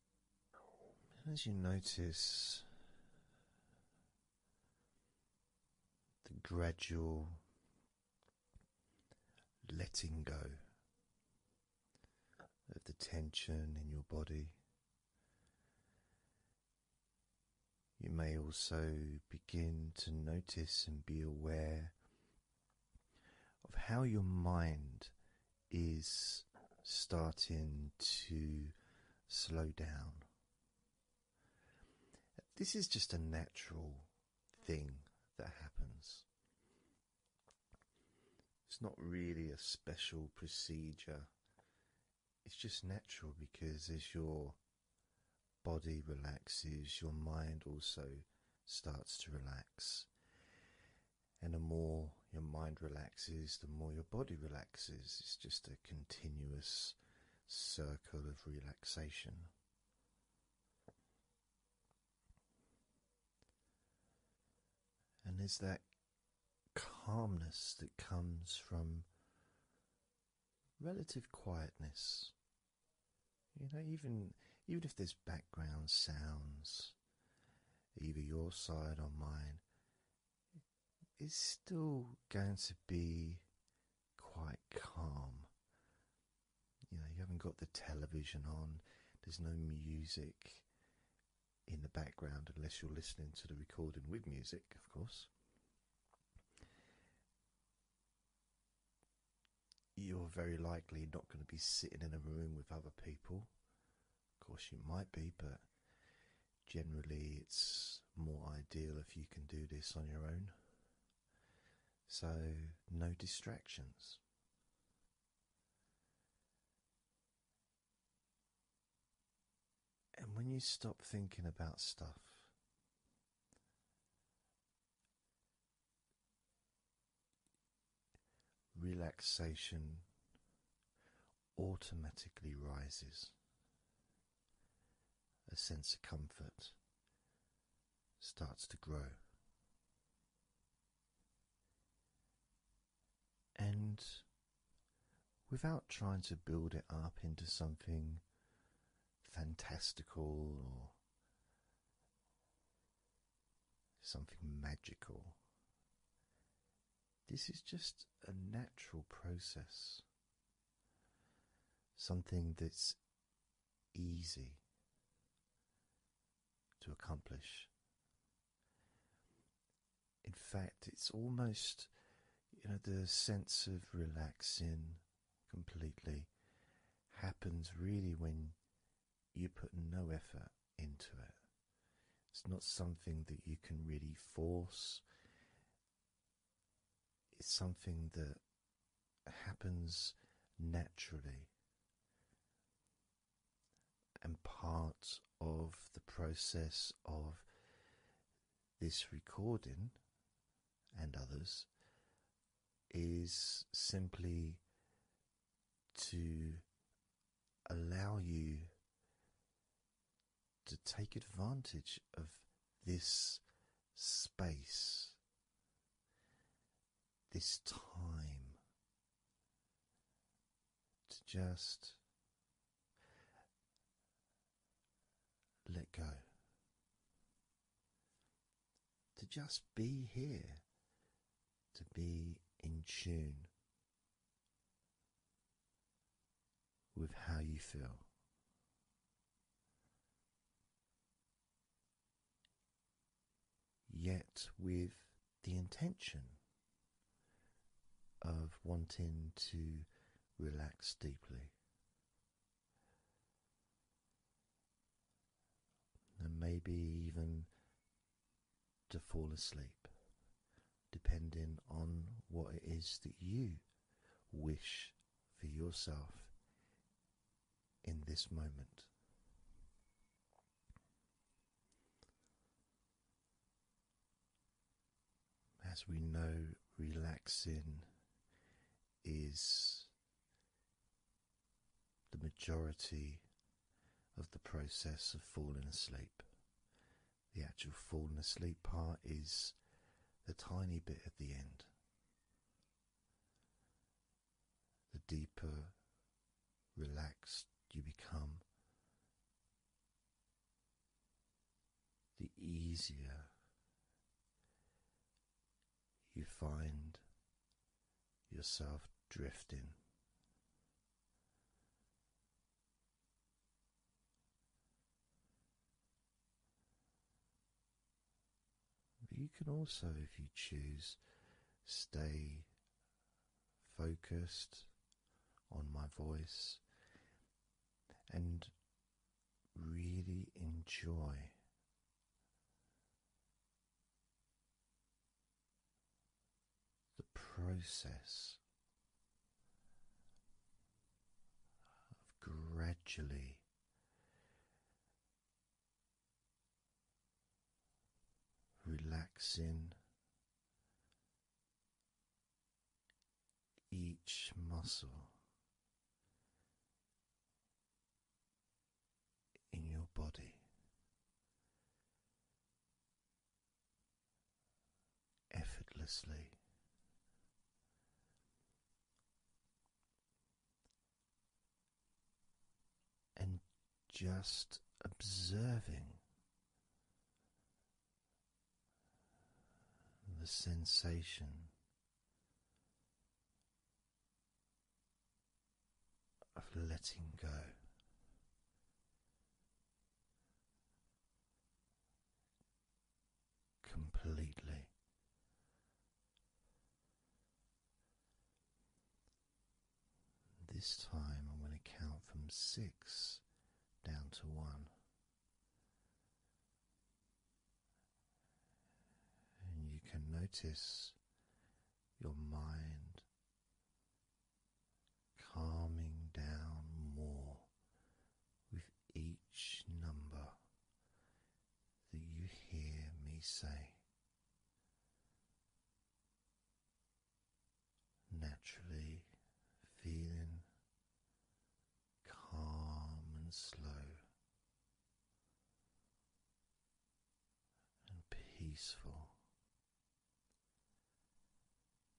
as you notice the gradual letting go of the tension in your body, you may also begin to notice and be aware of how your mind is starting to slow down. This is just a natural thing that happens. It's not really a special procedure. It's just natural because as your body relaxes, your mind also starts to relax. And the more your mind relaxes, the more your body relaxes. It's just a continuous circle of relaxation. And there's that calmness that comes from relative quietness. You know, even even if there's background sounds, either your side or mine, is still going to be quite calm. You know, you haven't got the television on, there's no music in the background unless you're listening to the recording with music, of course. You're very likely not going to be sitting in a room with other people of course, you might be, but generally, it's more ideal if you can do this on your own. So, no distractions. And when you stop thinking about stuff, relaxation automatically rises. A sense of comfort starts to grow. And without trying to build it up into something fantastical or something magical, this is just a natural process, something that's easy to accomplish. In fact, it's almost, you know, the sense of relaxing completely happens really when you put no effort into it. It's not something that you can really force. It's something that happens naturally and part of the process of this recording and others is simply to allow you to take advantage of this space, this time, to just let go, to just be here, to be in tune with how you feel. Yet, with the intention of wanting to relax deeply, and maybe even to fall asleep depending on what it is that you wish for yourself in this moment. As we know, relaxing is the majority of the process of falling asleep. The actual falling asleep part is the tiny bit at the end. The deeper relaxed you become, the easier you find yourself drifting. But you can also, if you choose, stay focused on my voice and really enjoy. The process of gradually relaxing each muscle in your body effortlessly. And just observing the sensation of letting go completely. This time I'm going to count from six down to one. And you can notice your mind calming down more each number that you hear me say. Naturally feeling calm and slow and peaceful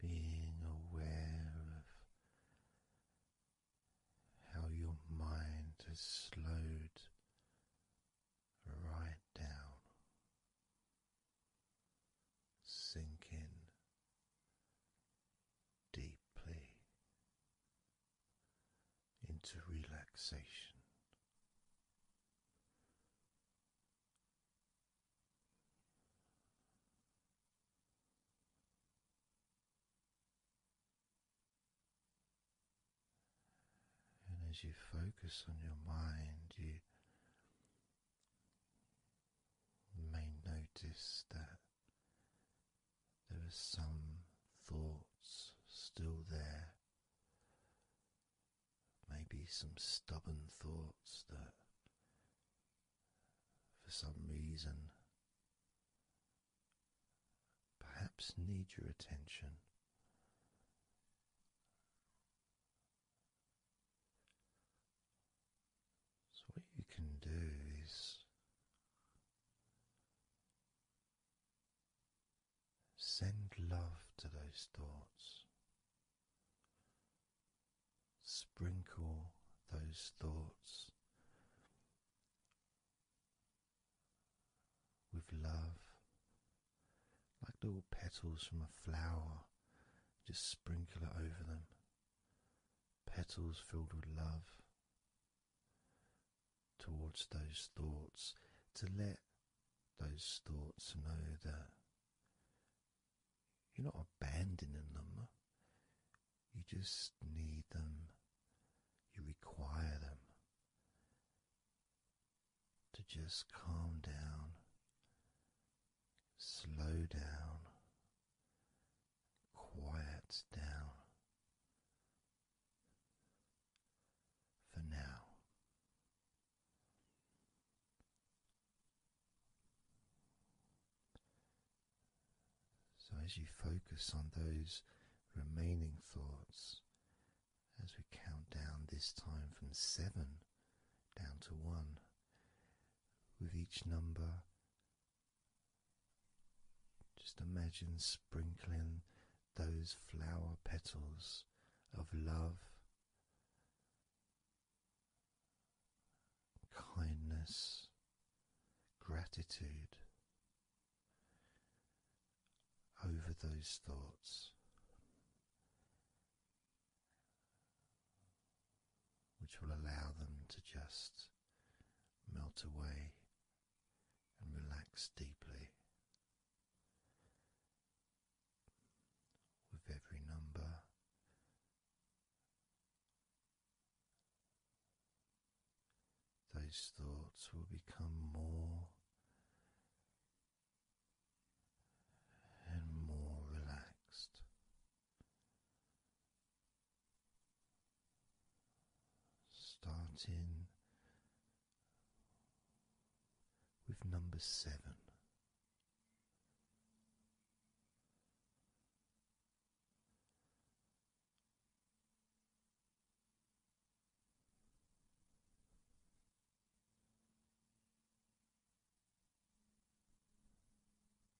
Being aware of how your mind has slowed right down sink in deeply into relaxation. And as you focus on your mind, you may notice that there are some thoughts still there, maybe some stubborn thoughts that for some reason perhaps need your attention. So, what you can do is send love to those thoughts, sprinkle those thoughts with love, like little petals from a flower, just sprinkle it over them petals filled with love towards those thoughts, to let those thoughts know that you're not abandoning them, you just need them, you require them to just calm down, slow down quiets down for now. So, as you focus on those remaining thoughts, as we count down this time from seven down to one, with each number. Just imagine sprinkling those flower petals of love, kindness, gratitude over those thoughts which will allow them to just melt away and relax deeply. With every number, those thoughts will become more and more relaxed starting with number seven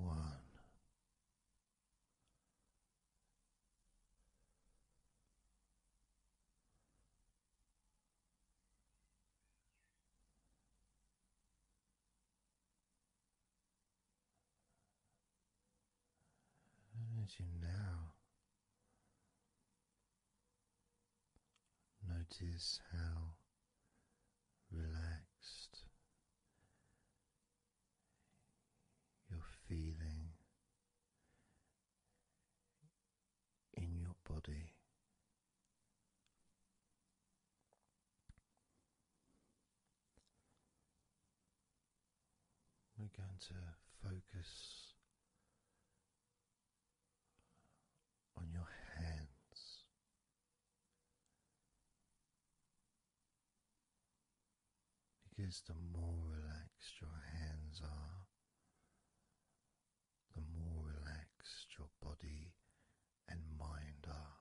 One. And as you now Notice how relaxed you're feeling in your body. We're going to focus on your hands. Because the more relaxed your hands are, the more relaxed your body and mind are.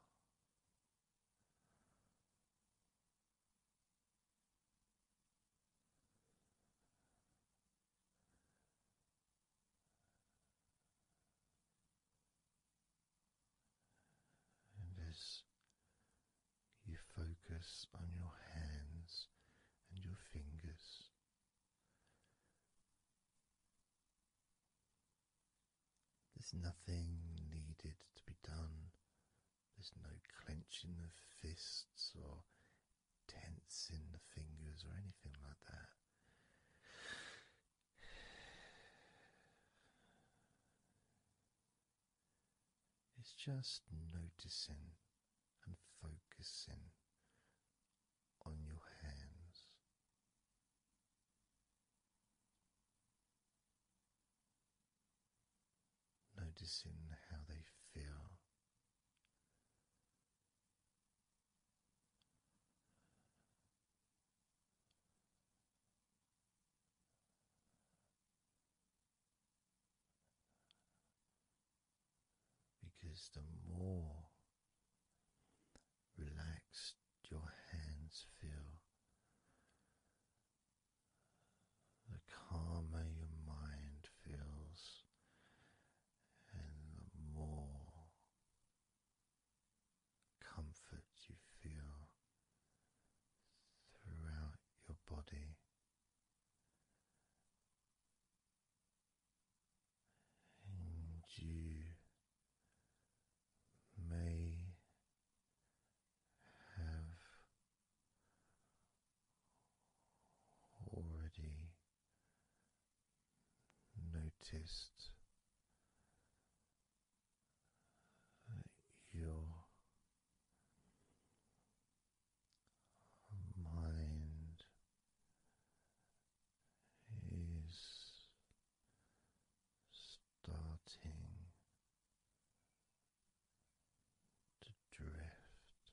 And as you focus on your hands and your fingers. There's nothing needed to be done there's no clenching the fists or tensing the fingers or anything like that. It's just noticing and focusing on your hands noticing how they feel. Because the more relaxed your hands feel, the calmer your mind feels, and the more comfort you feel throughout your body. And you may have already noticed that your mind is starting to drift.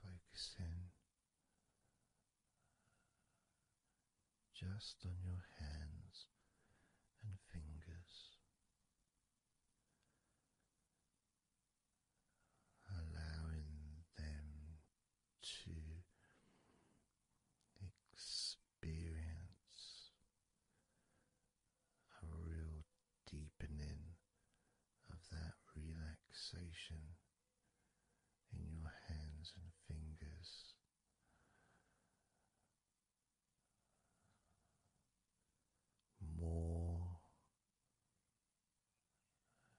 Focusing just on your hands and fingers allowing them to experience a real deepening of that relaxation in your hands and fingers. More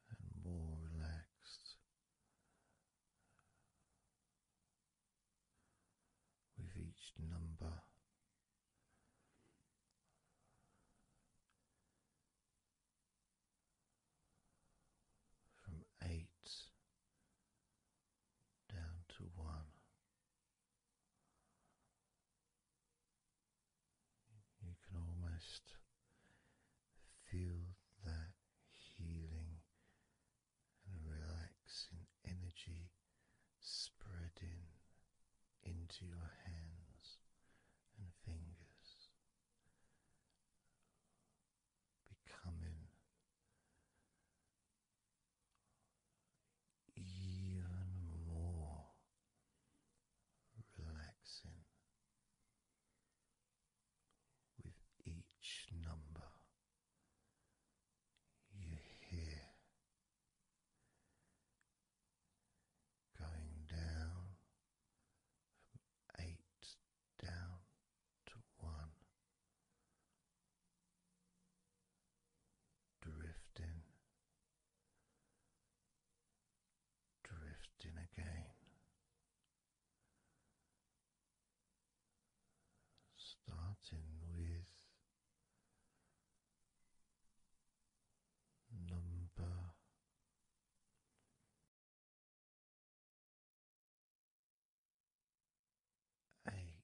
and more relaxed with each number. From eight down to one, you can almost feel that healing and relaxing energy spreading into your hands and fingers, becoming even more relaxing with each number you hear going down from eight down to one. Drifting drifting again. Starting with number eight,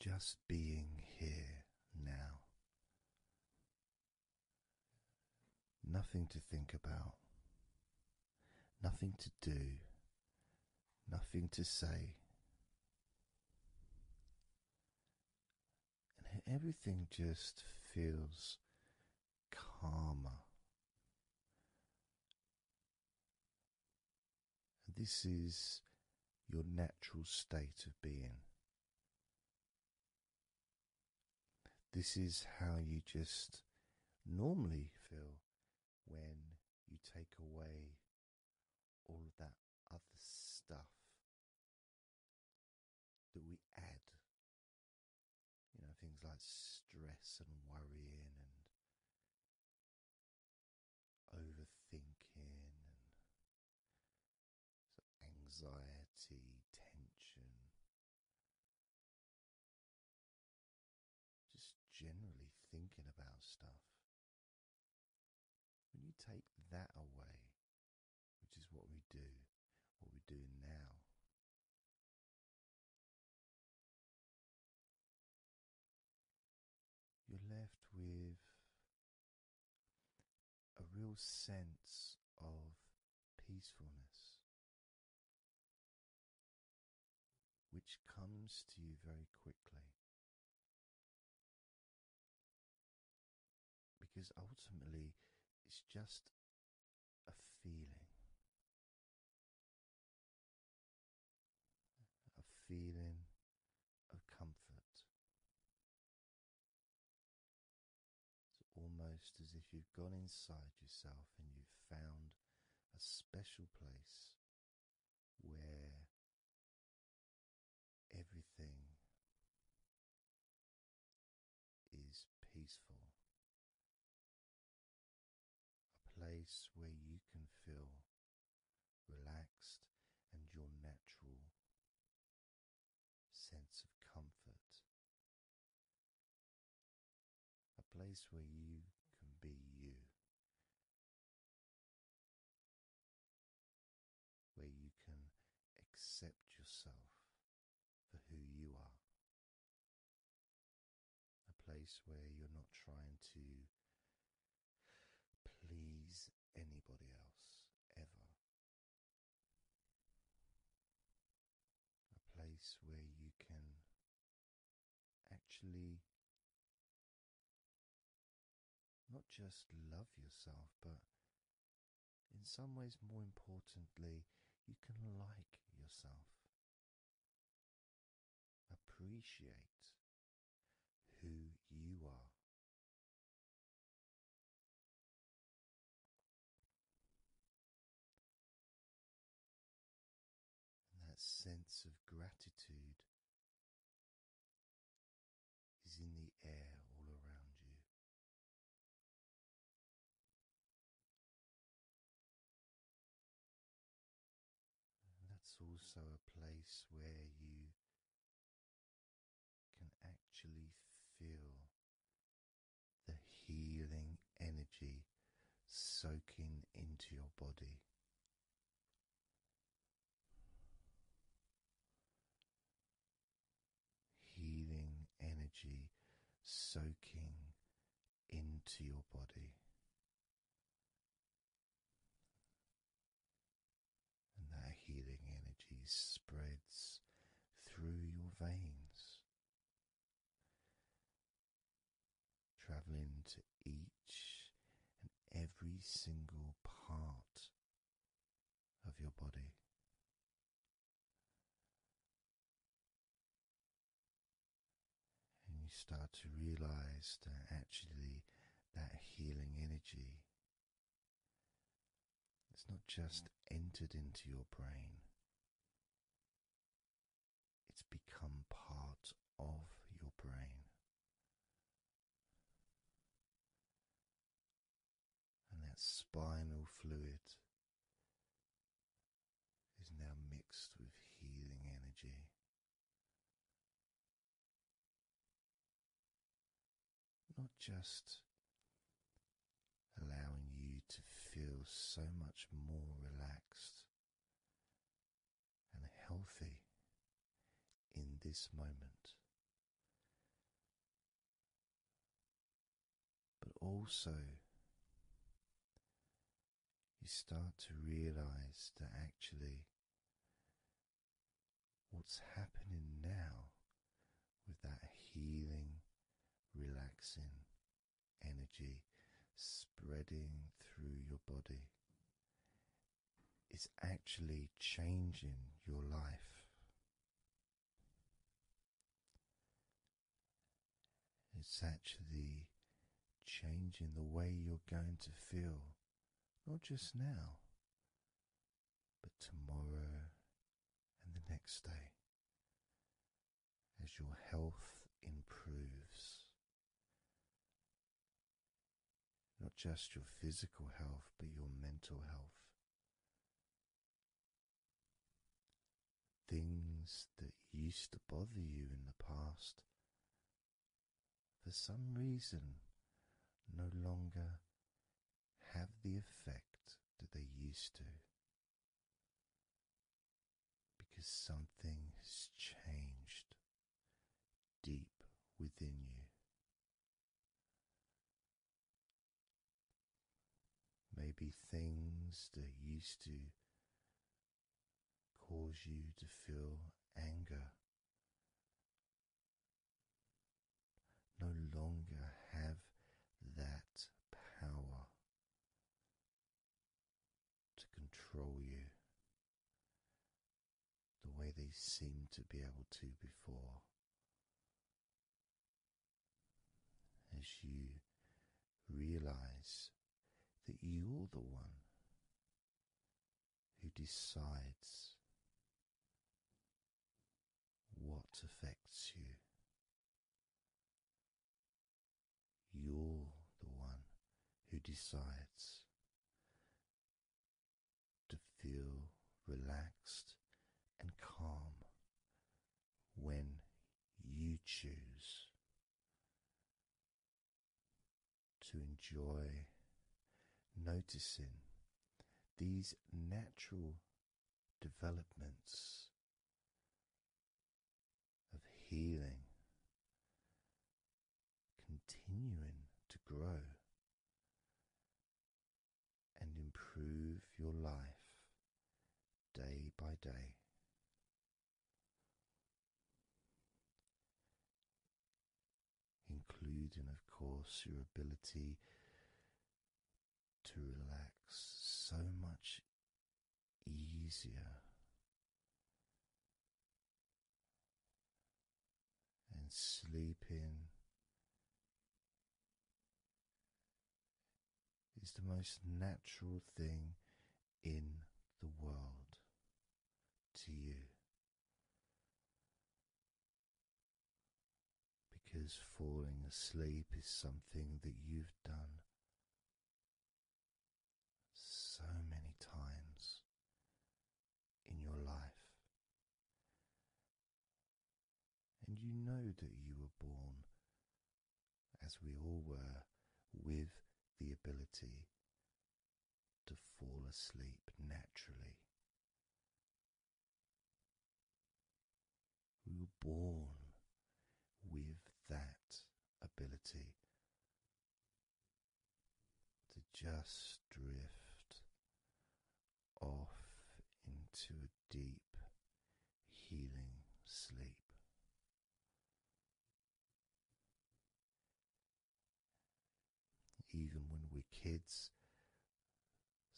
Just being here now. Nothing to think about, nothing to do nothing to say. And everything just feels calmer. this is your natural state of being. This is how you just normally feel when you take away all of that other stuff that we add. You know, things like stress and worrying and overthinking and anxiety, tension just generally thinking about stuff. When you take that away, which is what we do, what we are doing now. You're left with a real sense of peacefulness, which comes to you very quickly. Because ultimately, it's just a feeling. A feeling of comfort. It's almost as if you've gone inside yourself and you've found a special place where everything is peaceful, a place where you can feel relaxed and your natural sense of comfort, a place where you can be you where you can accept yourself for who you are. A place where you're not trying to please anybody else ever. A place where you can actually not just love yourself, but in some ways, more importantly, you can like yourself. Appreciate who you are. And that sense of gratitude is in the air all around you. that's also a place where you can actually feel the healing energy soaking into your body. Healing energy soaking into your body, and that healing energy spreads through your veins, traveling to each and every single part of your body. And you start to realize that actually that healing energy it's not just entered into your brain, it's become part of your brain and that spinal fluid is now mixed with healing energy. Not just allowing you to feel so much more relaxed and healthy in this moment, but also you start to realize that actually what's happening now with that healing, relaxing energy spreading through your body is actually changing your life. It's actually changing the way you're going to feel, not just now, but tomorrow and the next day, as your health improves, not just your physical health, but your mental health. Things that used to bother you in the past, for some reason, no longer have the effect that they used to. Because something has changed deep within you. Maybe things that used to cause you to feel anger no longer have that power to control you the way they seemed to be able to before. As you realize that you're the one who decides what affects you. You're the one who decides to feel relaxed and calm when you choose to enjoy noticing these natural developments of healing continuing to grow and improve your life day by day. Including, of course, your ability to relax so much easier and sleeping is the most natural thing in the world to you. Because falling asleep is something that you've done so many times in your life. And you know that you were born, as we all were, with the ability to fall asleep naturally. We were born with that ability to just drift off into a deep healing sleep. Even when we're kids,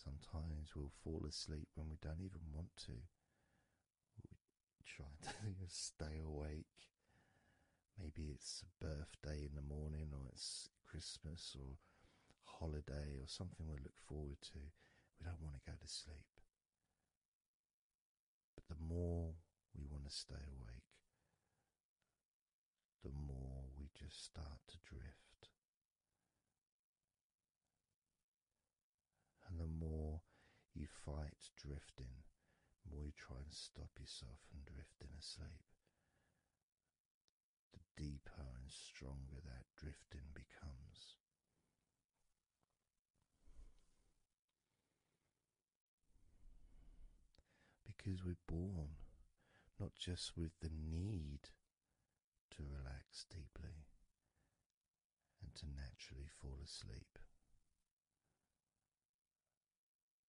sometimes we'll fall asleep when we don't even want to. We try to stay awake. Maybe it's a birthday in the morning, or it's Christmas or holiday or something we look forward to, we don't want to go to sleep. But the more we want to stay awake, the more we just start to drift. And the more you fight drifting, the more you try and stop yourself from drifting asleep, the deeper and stronger that drifting becomes. Because we're born not just with the need to relax deeply and to naturally fall asleep,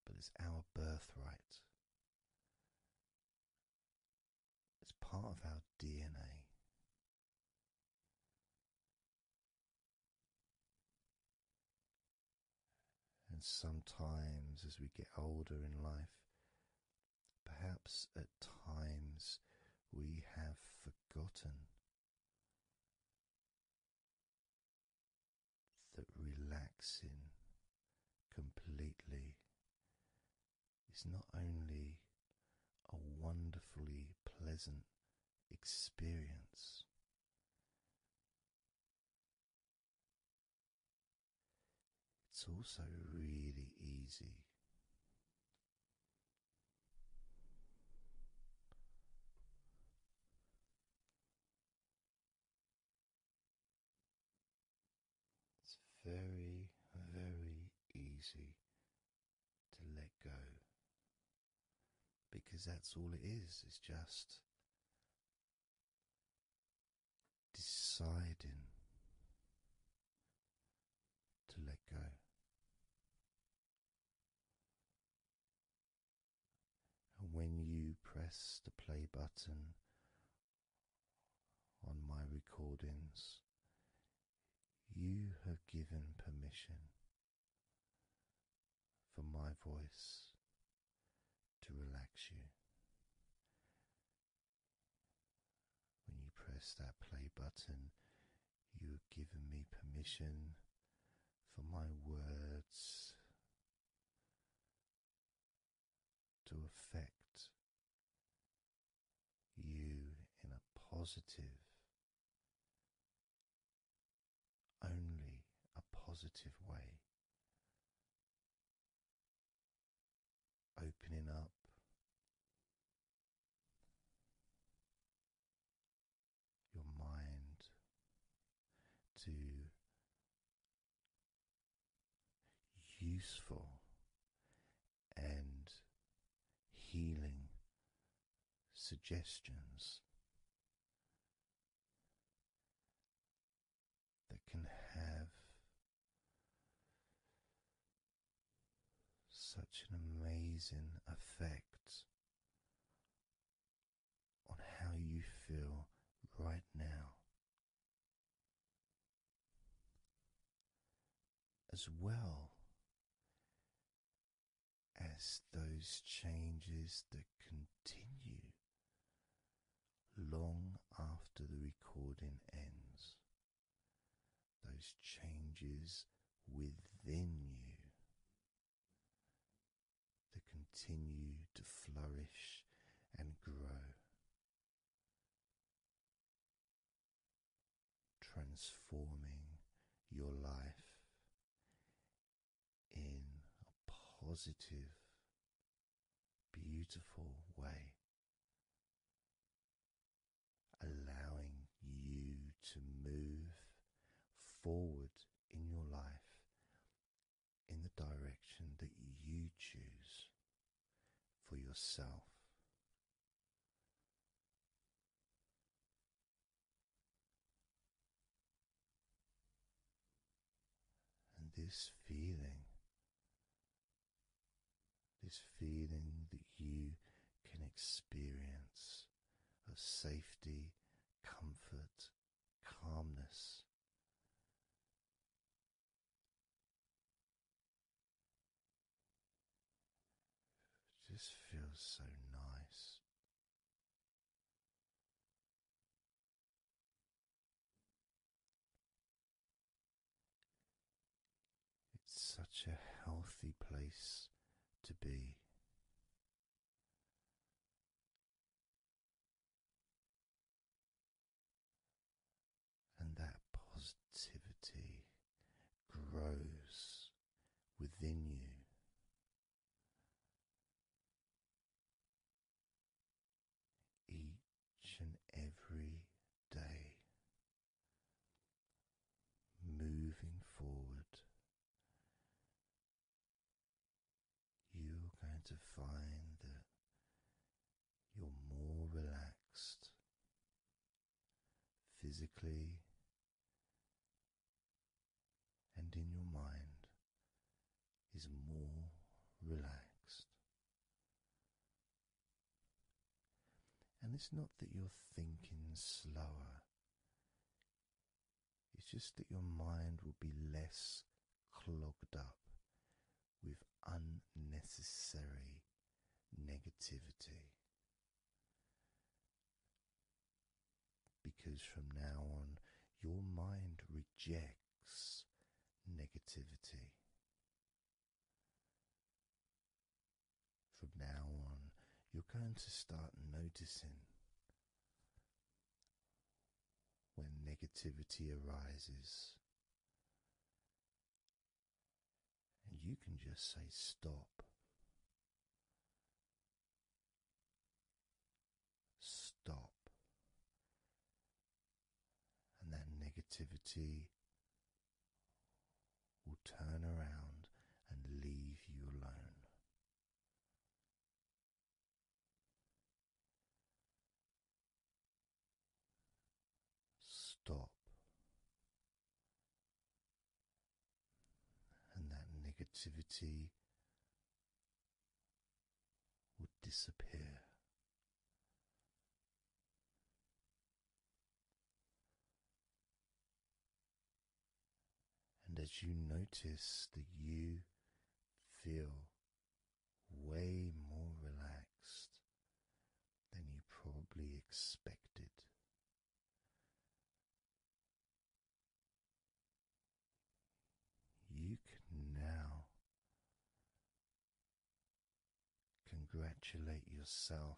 but it's our birthright it's part of our DNA. And sometimes, as we get older in life, perhaps at times we have forgotten that relaxing completely is not only a wonderfully pleasant experience. It's also really easy it's very, very easy to let go because that's all it is, it's just deciding to let go. And when you press the play button on my recordings, you have given permission for my voice to relax you. When you press that play button, you have given me permission for my words to affect you in a positive, only a positive way, opening up. Your mind to useful and healing suggestions that can have such an amazing effect on how you feel right now as well as those changes that continue long after the recording ends, those changes within you that continue to flourish and grow transforming your life in a positive, beautiful way, allowing you to move forward in your life in the direction that you choose for yourself. And this feeling, this feeling that you can experience of safety, comfort, calmness it just feels so nice. It's such a healthy place to be and that positivity grows within you. Each and every day, moving forward, you're going to find that you're more relaxed physically and in your mind is more relaxed. And it's not that you're thinking slower. It's just that your mind will be less clogged up with unnecessary negativity. Because from now on, your mind rejects negativity. From now on, you're going to start noticing when negativity arises. And you can just say stop. Stop. And that negativity will turn around and leave you alone. Stop. And that negativity would disappear. And as you notice that you feel way more relaxed, than you probably expected. You can now congratulate yourself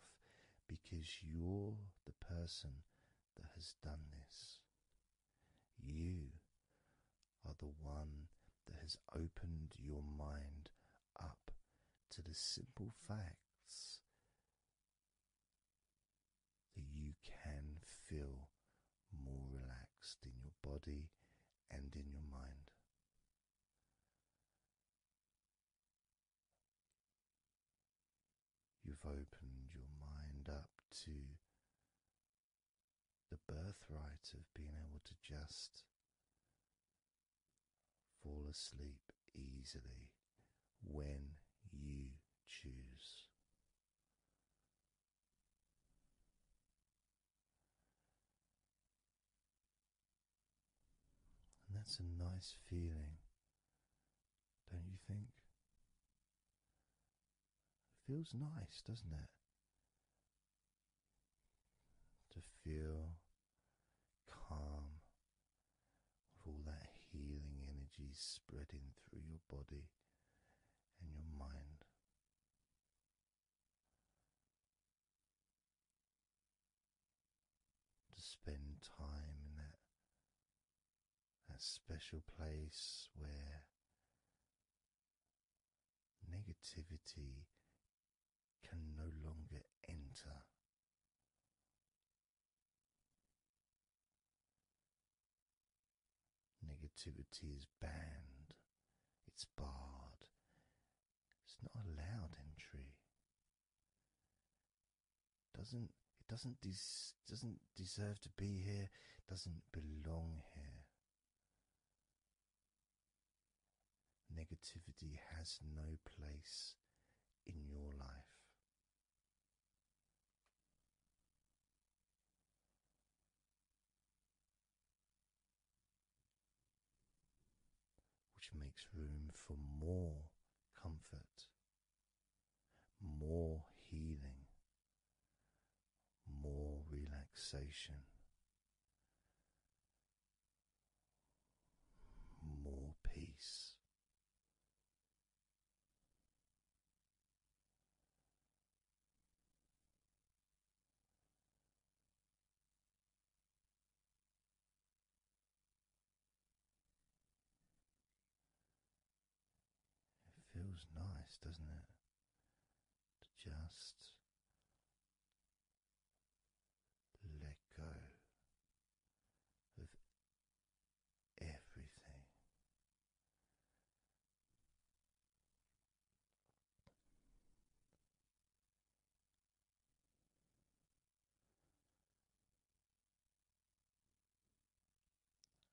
because you're the person that has done this. You are the one that has opened your mind up to the simple facts that you can feel more relaxed in your body and in your mind. You've opened your mind up to the birthright of being able to just Fall asleep easily when you choose. And that's a nice feeling, don't you think? It feels nice, doesn't it? to feel calm with all that healing energy spreading through your body and your mind. To spend time in that, that special place where negativity can no longer enter. Negativity is banned, it's barred, it's not allowed entry. Doesn't it doesn't des doesn't deserve to be here, doesn't belong here. Negativity has no place in your life. Which makes room for more comfort, more healing, more relaxation, more peace. It feels nice, doesn't it? To just let go of everything.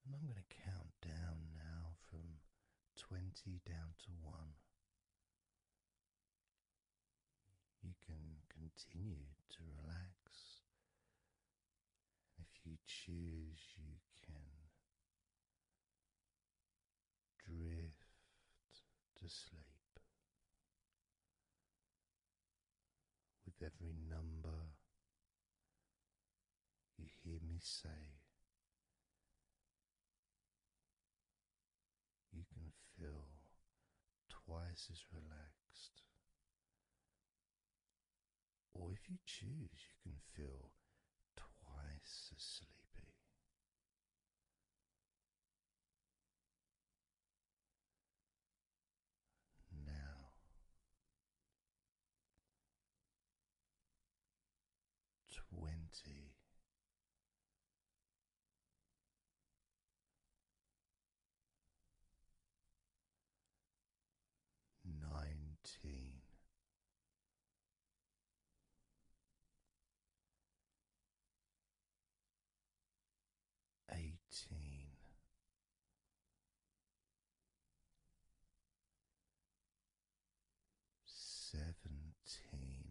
And I'm going to count down now from 20 down to 1 you can continue to relax. if you choose, you can drift to sleep. With every number you hear me say, you can feel twice as relaxed. Or if you choose, you can feel twice as sleepy. Now, twenty nineteen. Eighteen, seventeen,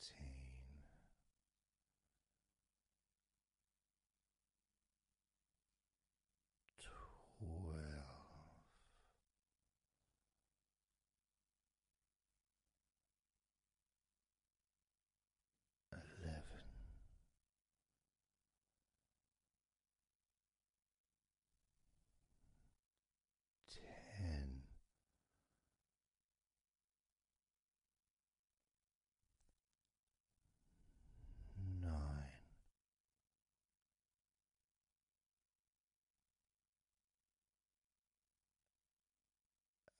thirteen. Twelve, eleven, ten.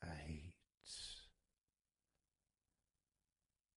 eight,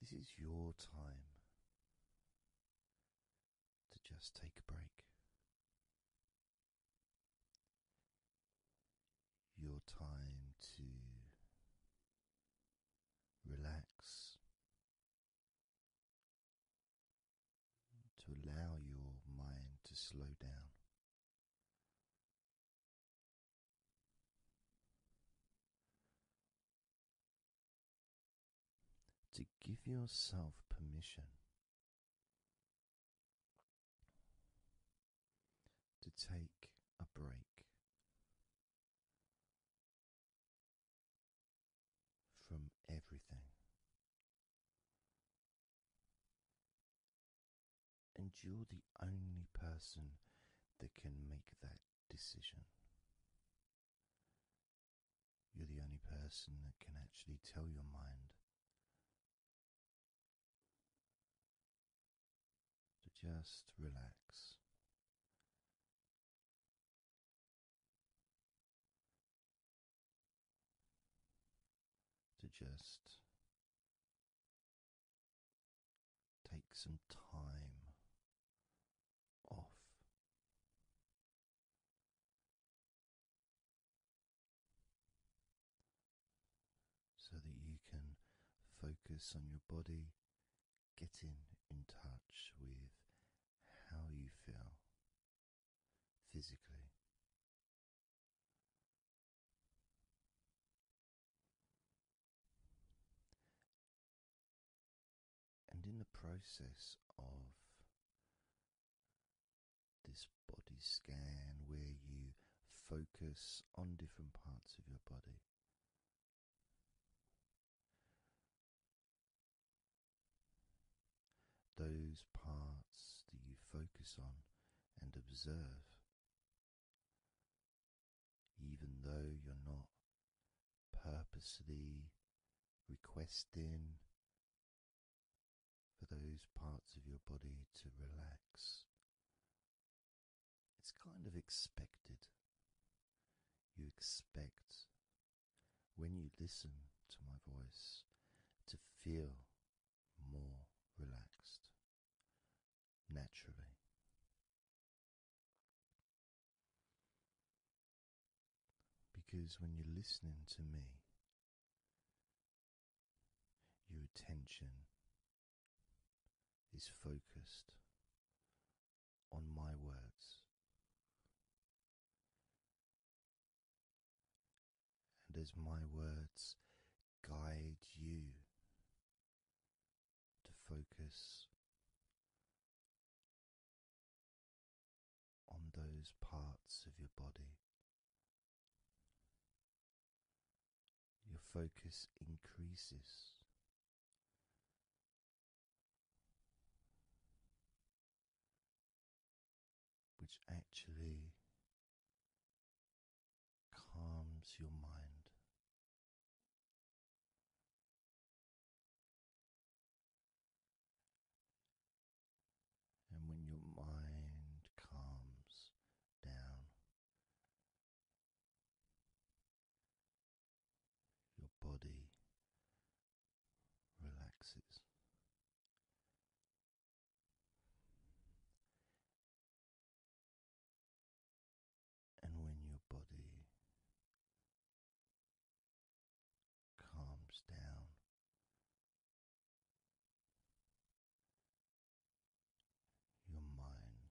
this is your time to just take a break. Your time to relax to allow your mind to slow down. To give yourself permission to take a break from everything. And you're the only person that can make that decision. You're the only person that can actually tell your mind to just relax to just take some time off. So that you can focus on your body, getting in touch with how you feel, physically. And in the process of this body scan, where you focus on different parts of your body, those parts that you focus on and observe, even though you're not purposely requesting for those parts of your body to relax, it's kind of expected. You expect when you listen to my voice to feel more relaxed naturally. Because when you're listening to me, your attention is focused on my words. And as my words guide you to focus on those parts of your body, your focus increases which actually calms your mind. And when your mind calms down, your body relaxes. And when your body calms down, your mind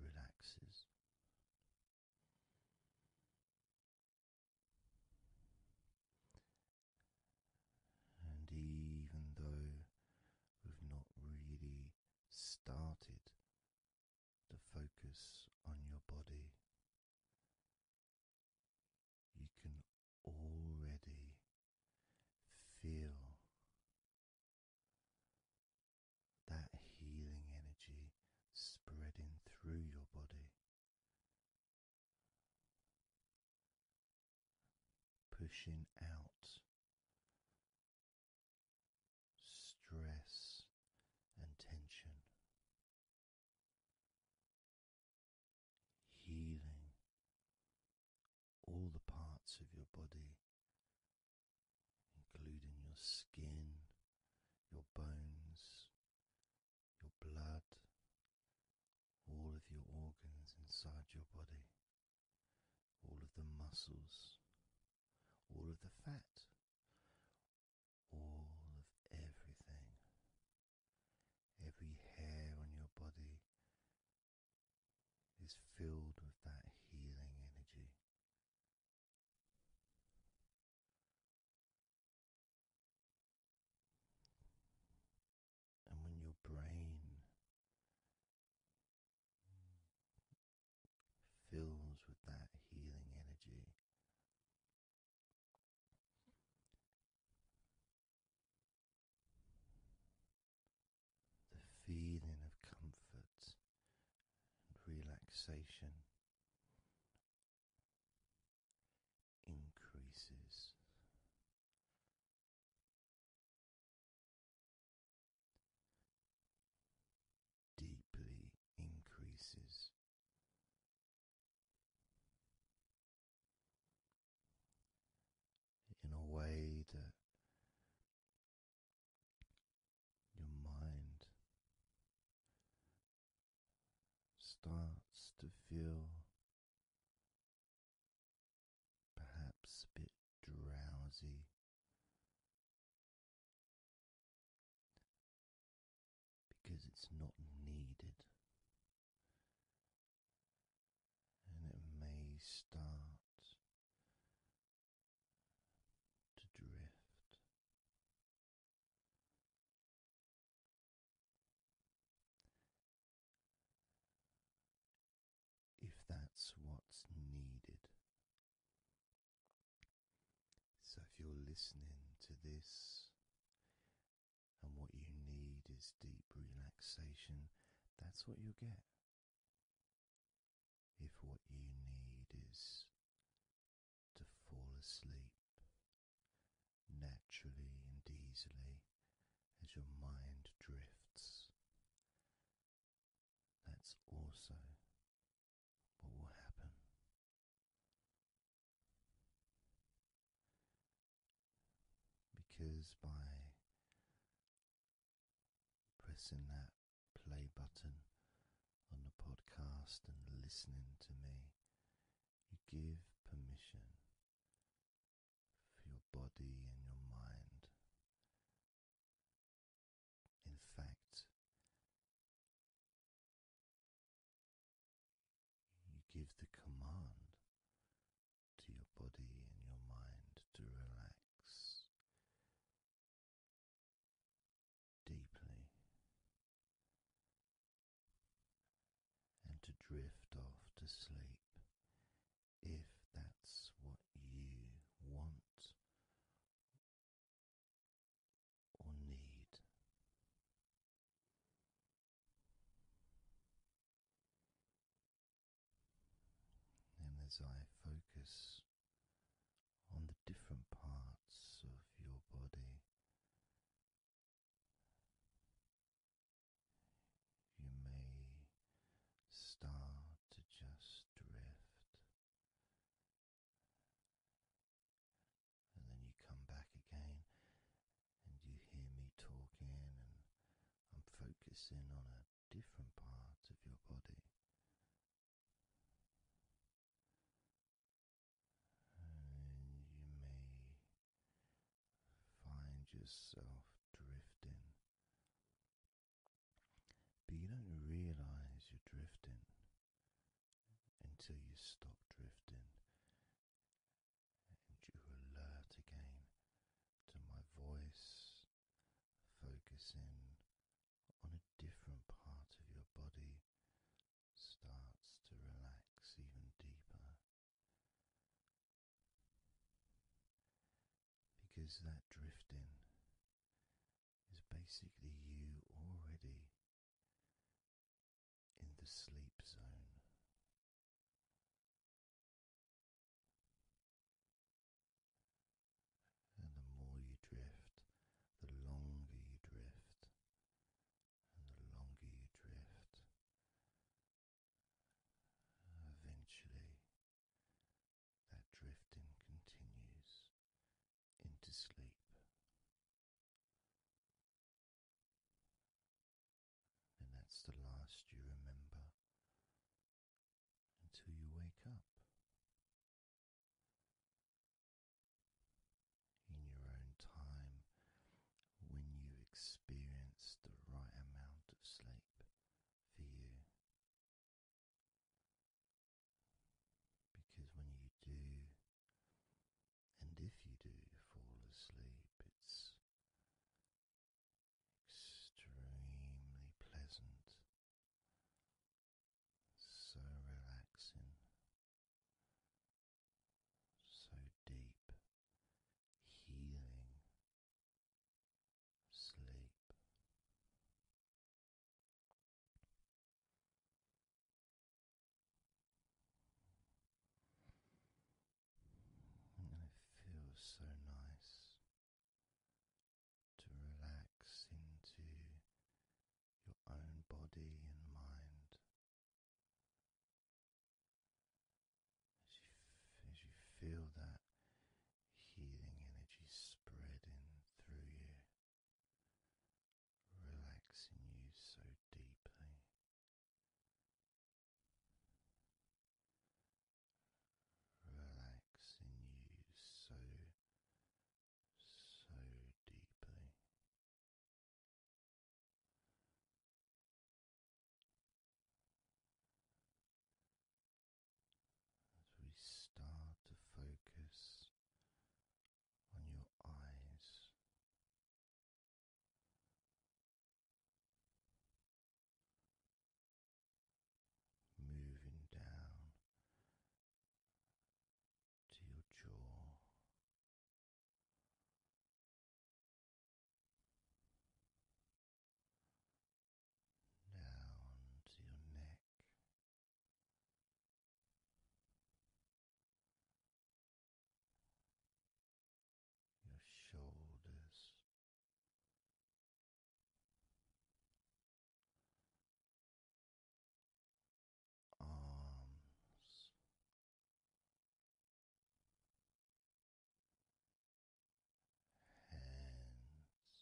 relaxes. And even though we've not really started to focus on your body, you can already feel that healing energy spreading through your body pushing out stress and tension, healing all the parts of your body, including your skin, your bones, your blood, all of your organs inside your body, all of the muscles, all of the fat, all of everything, every hair on your body is filled with that healing energy. And when your brain fills with that healing energy, the feeling of comfort and relaxation increases. Deeply increases. In a way that your mind starts to feel perhaps a bit drowsy. Because it's not needed, and it may start to drift if that's what's needed. So, if you're listening to this and what you need is deep relaxation, that's what you'll get. If what you need is to fall asleep naturally and easily as your mind drifts. That's also what will happen. Because by pressing that play button on the podcast and listening to me, you give permission for your body and your mind. In fact, you give the command to your body and your mind to relax deeply and to drift off to sleep if that's what you want or need. And as I focus on the different parts of your body you may start to just drift, and then you come back again, and you hear me talking, and I'm focusing on a different part of your body and you may find yourself drifting. But you don't realize you're drifting until you stop drifting and you alert again to my voice, focusing on a different part of your body starts to relax even deeper. Because that drifting is basically you already in the sleep zone. And the more you drift, the longer you drift, the longer you drift, eventually that drifting continues into sleep. And that's the last you remember until you wake up in your own time when you experience the right amount of sleep for you. Because when you do, and if you do fall asleep, it's extremely pleasant, so relaxing, so deep, healing sleep. And it feels so nice to relax into your own body and mind as you, feel that healing energy spreading through you, relaxing you so deeply. Relaxing you so, so deeply. As we start to focus on your eyes, moving down to your jaw down to your neck. Your shoulders, arms, hands.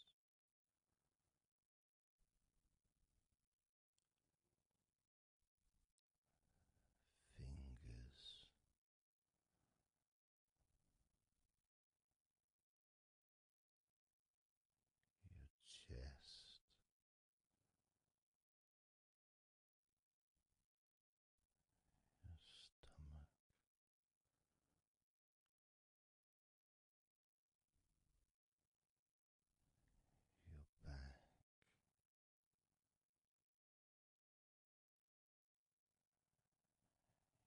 Fingers your chest, your stomach. Your back,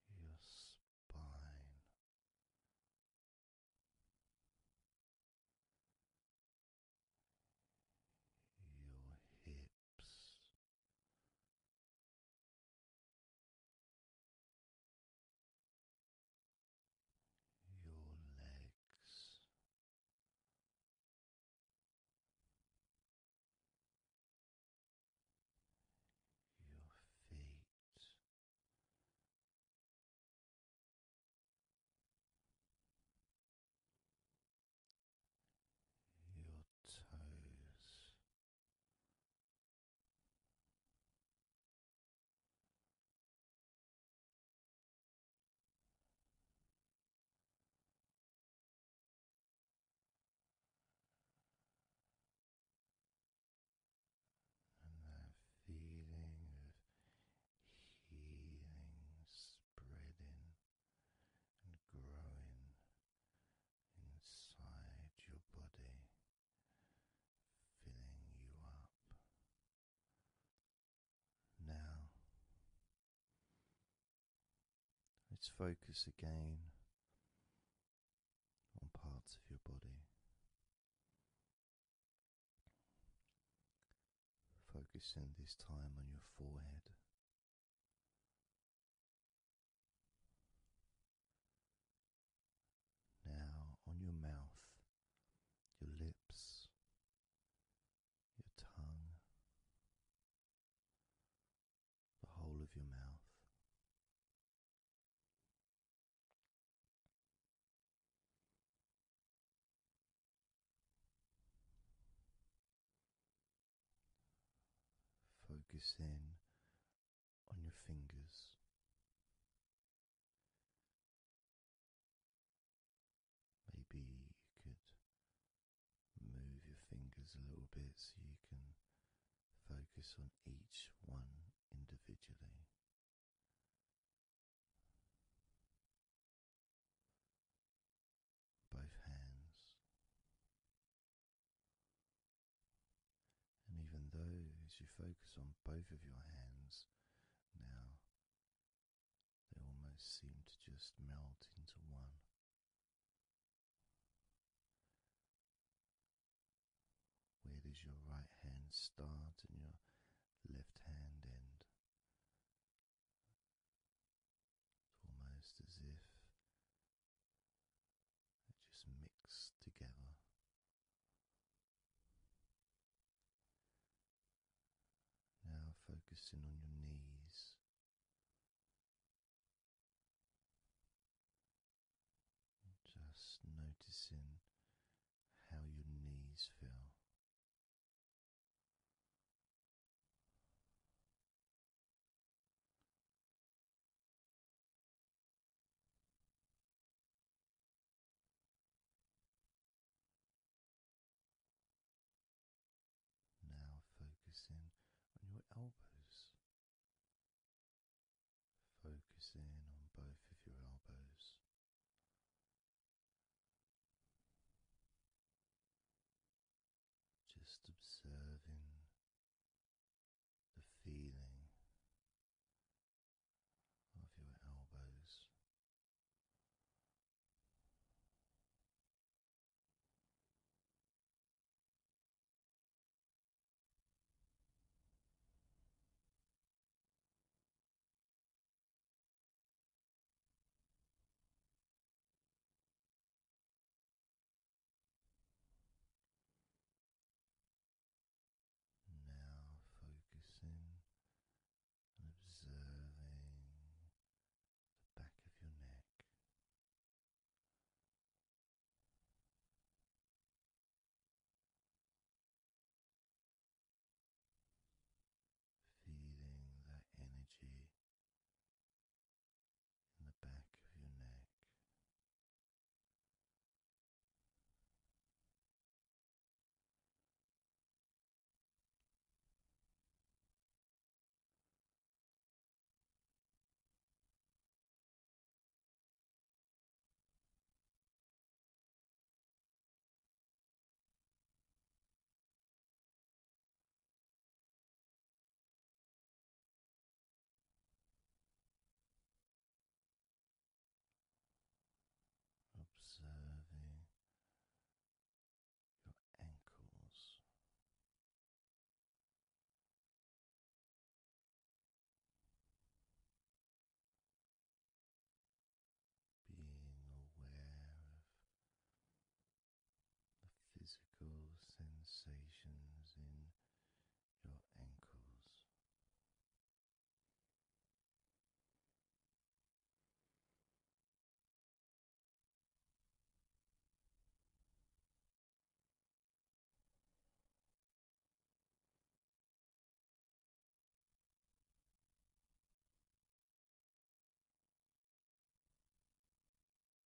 your spine, your hips lips your legs your feet your toes. And that feeling of healing breathing and growing inside your body, filling you up. Now, let's focus again on parts of your body. Focusing this time on your forehead, now on your mouth, your lips, your tongue, the whole of your mouth. Focus in on your fingers. Maybe you could move your fingers a little bit so you can focus on each one individually both hands. And even though, as you focus on both of your hands now, they almost seem to just melt into one. Where does your right hand start and your left hand end? It's almost as if just mix together. Now focusing on your knees. Just noticing how your knees feel. Now focusing on your elbows. Focusing on both of your elbows just observing the feeling of your elbows. Now focusing and observing the back of your neck. Feeling that energy in the back of your neck. Observing your ankles, being aware of the physical sensations in your ankles.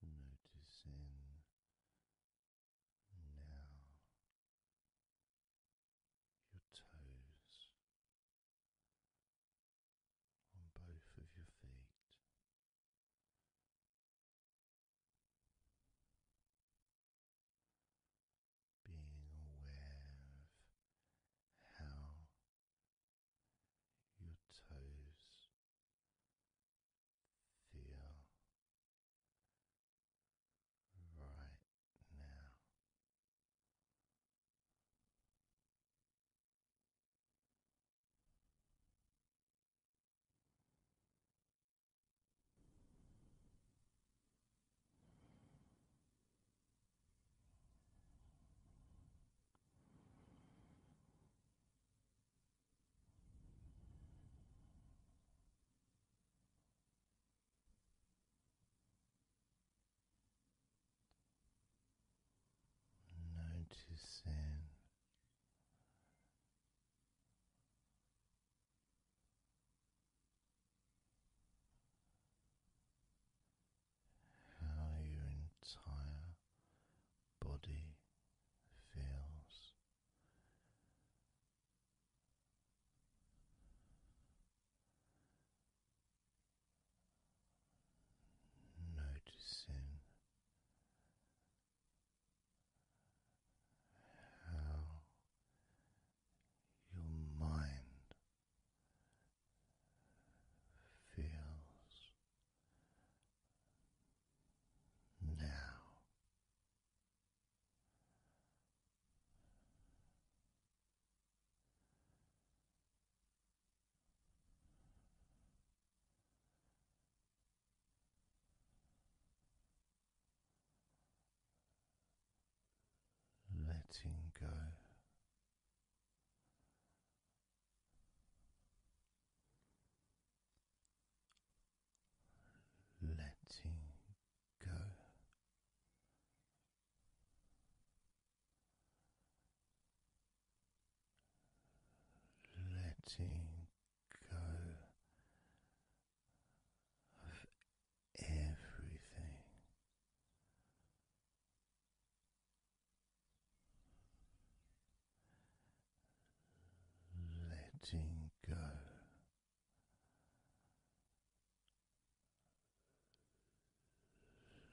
Noticing now your toes on both of your feet, being aware of how your toes feel right now. Noticing how your entire body feels. Noticing how your mind feels now letting go. Letting go, letting of everything. Letting go,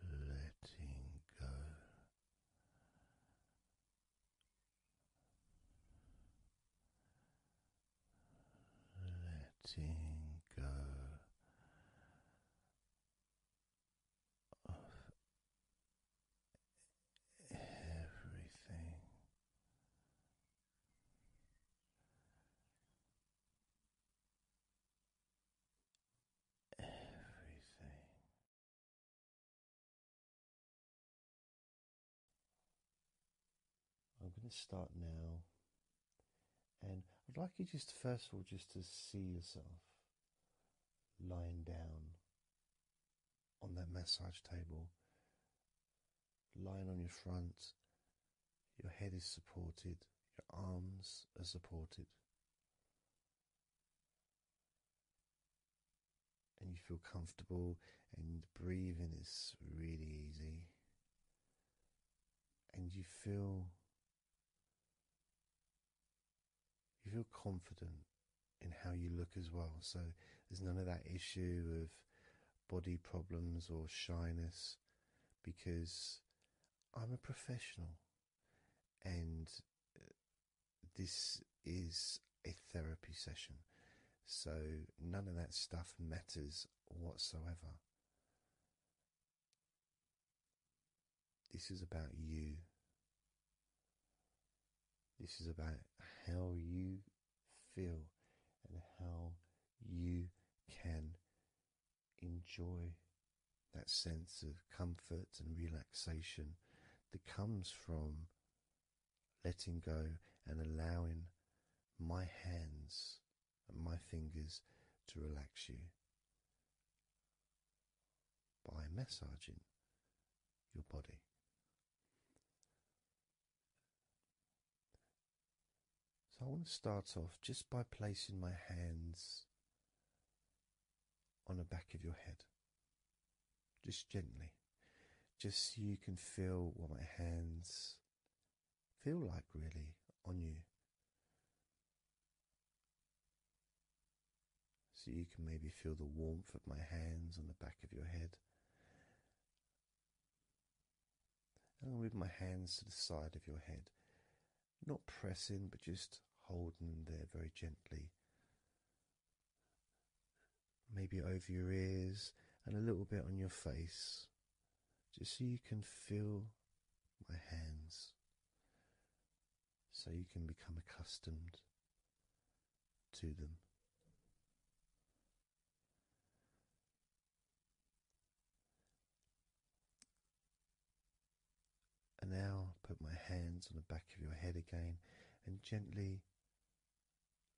letting go, letting go of everything. Everything I'm going to start now, and I'd like you just first of all just to see yourself lying down on that massage table, lying on your front. Your head is supported, your arms are supported and you feel comfortable, and breathing is really easy, and you feel you feel confident in how you look as well. So there's none of that issue of body problems or shyness because I'm a professional and uh, this is a therapy session. So none of that stuff matters whatsoever. This is about you. This is about how you feel and how you can enjoy that sense of comfort and relaxation that comes from letting go and allowing my hands and my fingers to relax you by massaging your body. So, I want to start off just by placing my hands on the back of your head just gently, just so you can feel what my hands feel like really on you. So you can maybe feel the warmth of my hands on the back of your head. I'll move my hands to the side of your head. Not pressing, but just holding there very gently maybe over your ears and a little bit on your face, just so you can feel my hands, so you can become accustomed to them. And now put my hands on the back of your head again and gently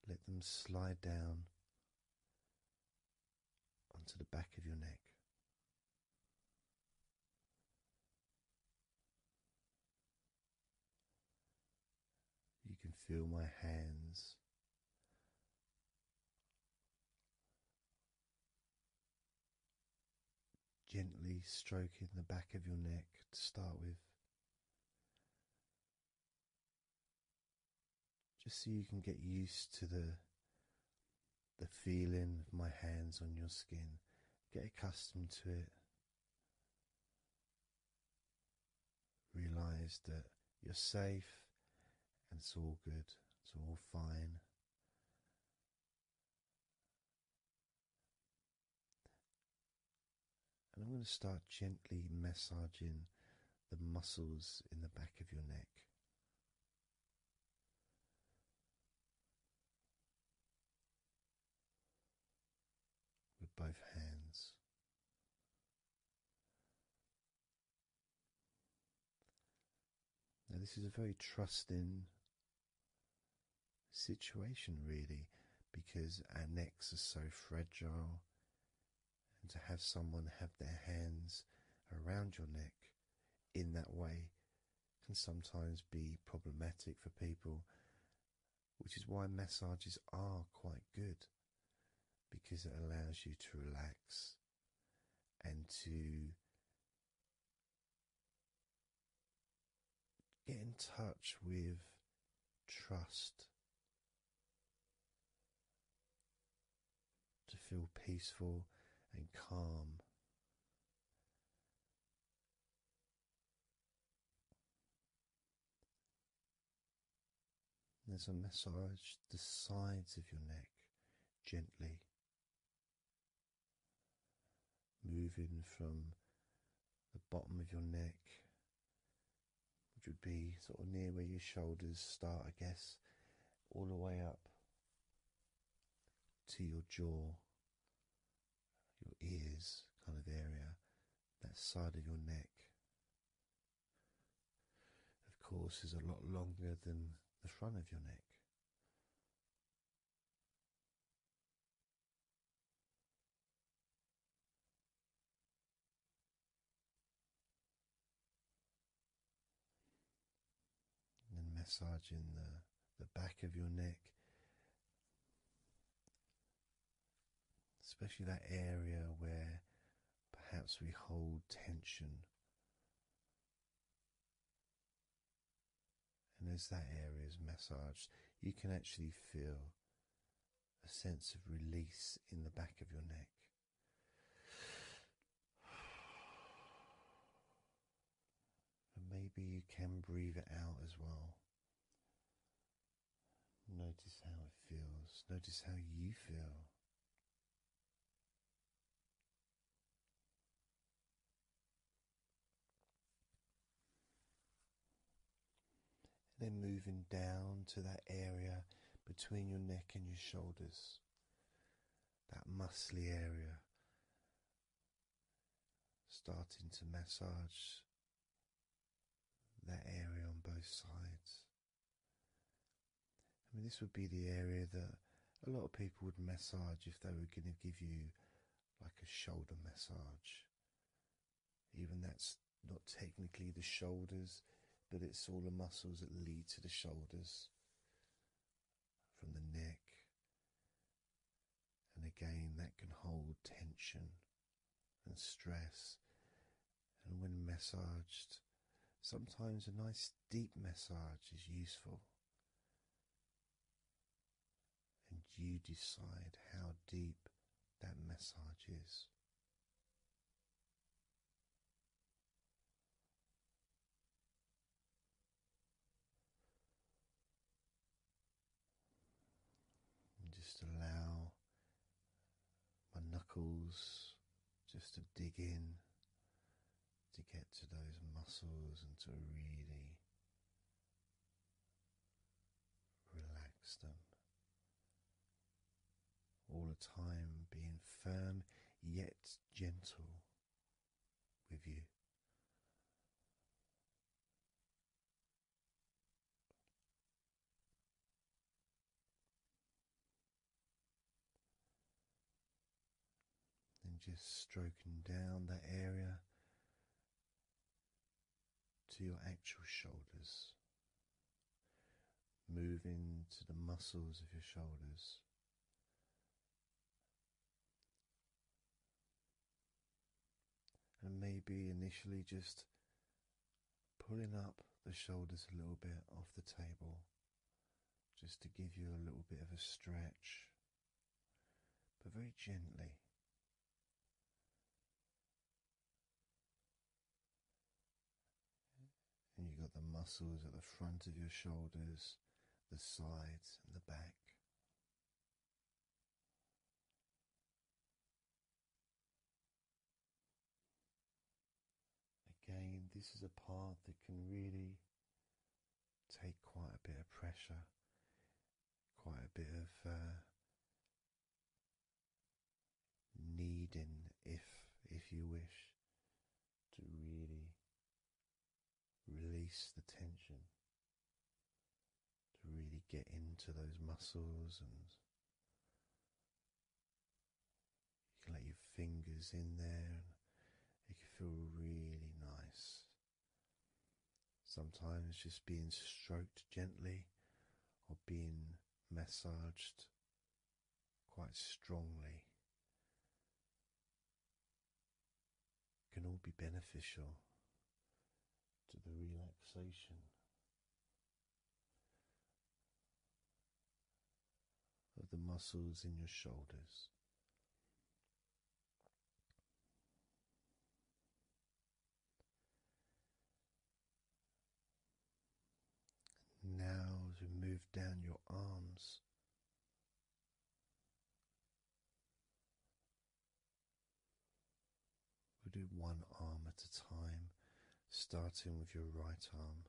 let them slide down onto the back of your neck. You can feel my hands. Gently stroking the back of your neck to start with, just so you can get used to the the feeling of my hands on your skin, get accustomed to it. Realize that you're safe and it's all good, it's all fine. And I'm going to start gently massaging the muscles in the back of your neck. With both hands, now this is a very trusting situation, really, because our necks are so fragile and to have someone have their hands around your neck in that way can sometimes be problematic for people, which is why massages are quite good because it allows you to relax and to get in touch with trust to feel peaceful and calm. There's a massage the sides of your neck gently, moving from the bottom of your neck which would be sort of near where your shoulders start, I guess, all the way up to your jaw, your ears kind of area, that side of your neck. Of course, is a lot longer than the front of your neck. And then massaging the, the back of your neck, especially that area where perhaps we hold tension. And as that area is massaged, you can actually feel a sense of release in the back of your neck. And maybe you can breathe it out as well. Notice how it feels, notice how you feel then moving down to that area between your neck and your shoulders, that muscly area, starting to massage that area on both sides. I mean, this would be the area that a lot of people would massage if they were going to give you like a shoulder massage. Even that's not technically the shoulders, but it's all the muscles that lead to the shoulders from the neck. And again, that can hold tension and stress. And when massaged, sometimes a nice deep massage is useful. And you decide how deep that massage is just allow my knuckles just to dig in to get to those muscles and to really relax them all the time being firm yet gentle with you. And just stroking down that area to your actual shoulders moving to the muscles of your shoulders. And maybe initially just pulling up the shoulders a little bit off the table, just to give you a little bit of a stretch, but very gently. And you've got the muscles at the front of your shoulders, the sides, and the back. Again, this is a part that can really take quite a bit of pressure, quite a bit of uh, needing if if you wish to really release the tension to really get into those muscles and you can let your fingers in there and it can feel really nice sometimes just being stroked gently or being massaged quite strongly can all be beneficial to the relaxation of the muscles in your shoulders now, as we move down your arms, we'll do one arm at a time, starting with your right arm.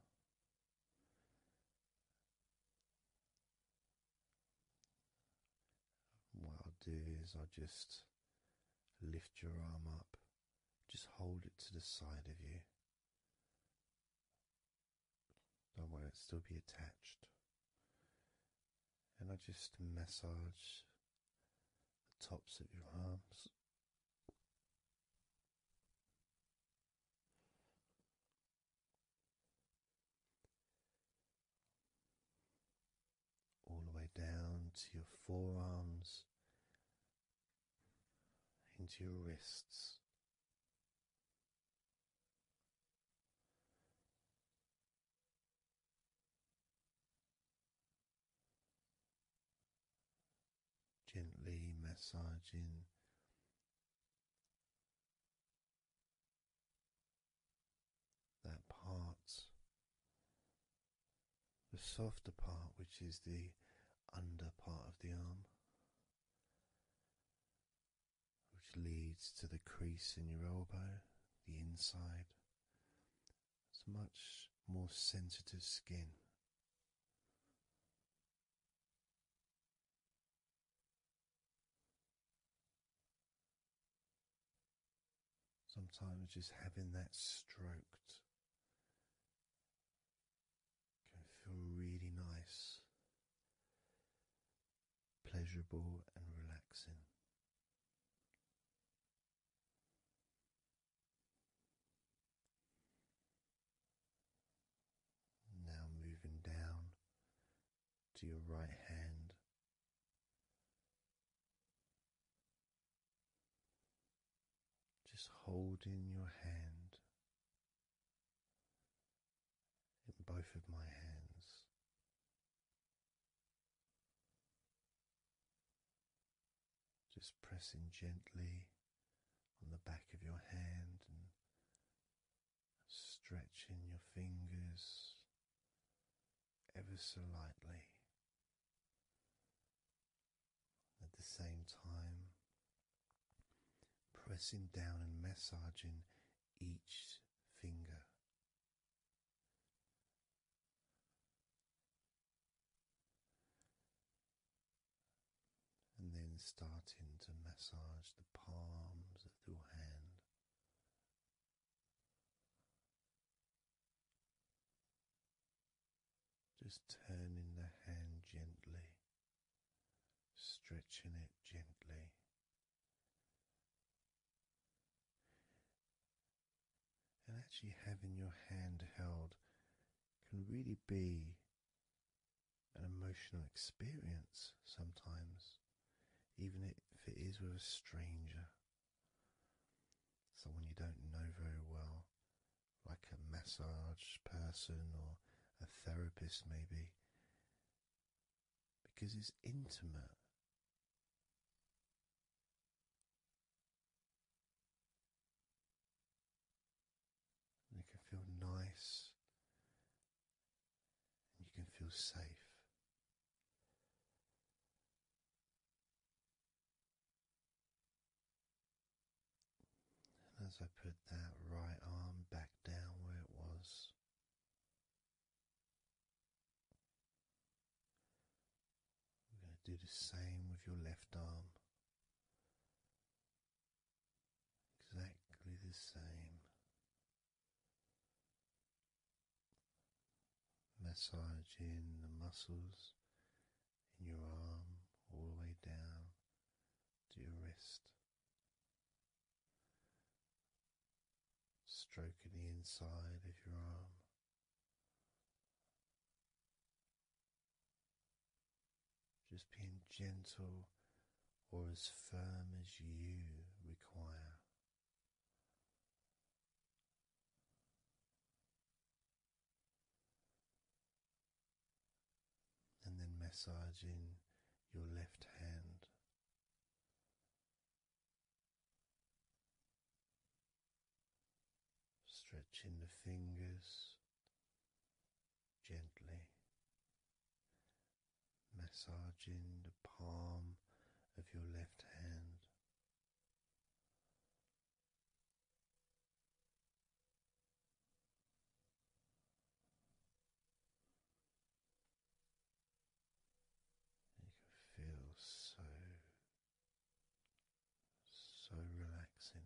What I'll do is I'll just lift your arm up, just hold it to the side of you. I want it to still be attached. And I just massage the tops of your arms. All the way down to your forearms into your wrists. Gently massaging that part, the softer part, which is the under part of the arm, which leads to the crease in your elbow, the inside. It's much more sensitive skin. Sometimes just having that stroked can feel really nice, pleasurable, and relaxing. Now moving down to your right hand. Just holding your hand in both of my hands. Just pressing gently on the back of your hand and stretching your fingers ever so lightly at the same time, pressing down and massaging each finger. And then starting to massage the palms of your hand. Just turning the hand gently, stretching it gently. And actually, having your hand held can really be an emotional experience sometimes, even if it is with a stranger, someone you don't know very well, like a massage person or a therapist, maybe, because it's intimate. you can feel nice and you can feel safe. And as I put that right arm back down where it was, we're going to do the same with your left arm. Exactly the same. Massaging the muscles in your arm all the way down to your wrist, stroking the inside of your arm. Just being gentle or as firm as you require and then massaging your left hand. Stretching the fingers gently, massaging the palm of your left hand, you can so, so relaxing.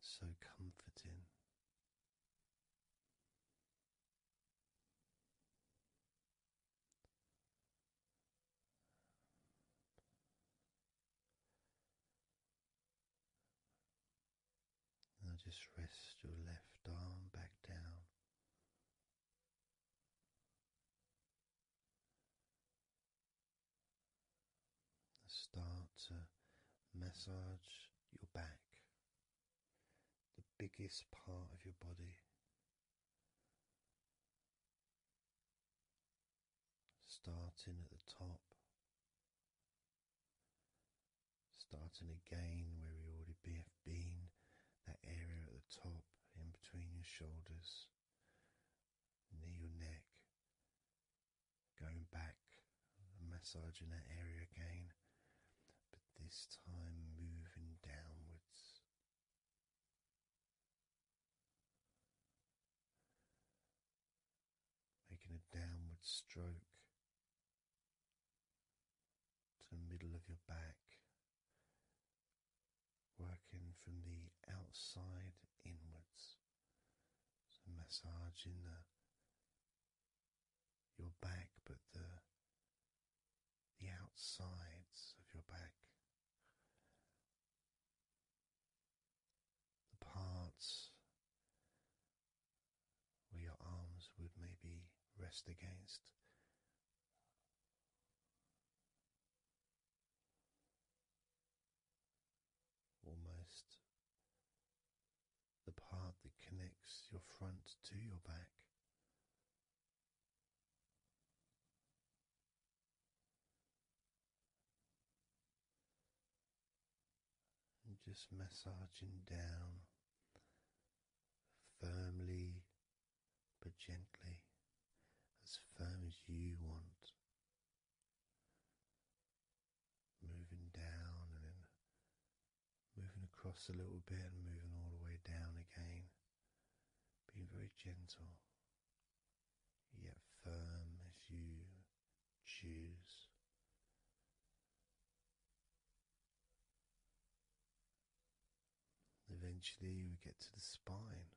So comforting. Now just rest your left arm back down. Start to massage your back, the biggest part of your body, Starting at the top, starting again where we already have been, that area at the top, in between your shoulders, near your neck, going back massaging that area again, but this time moving downwards Making a downward stroke to the middle of your back, working from the outside inwards, massaging the your back, but the the outsides of your back, the parts where your arms would maybe rest against. Almost the part that connects your front to your back, just massaging down firmly but gently, as firm as you want. Moving down and then moving across a little bit and moving all the way down again. Being very gentle yet firm as you choose. Eventually, we get to the spine.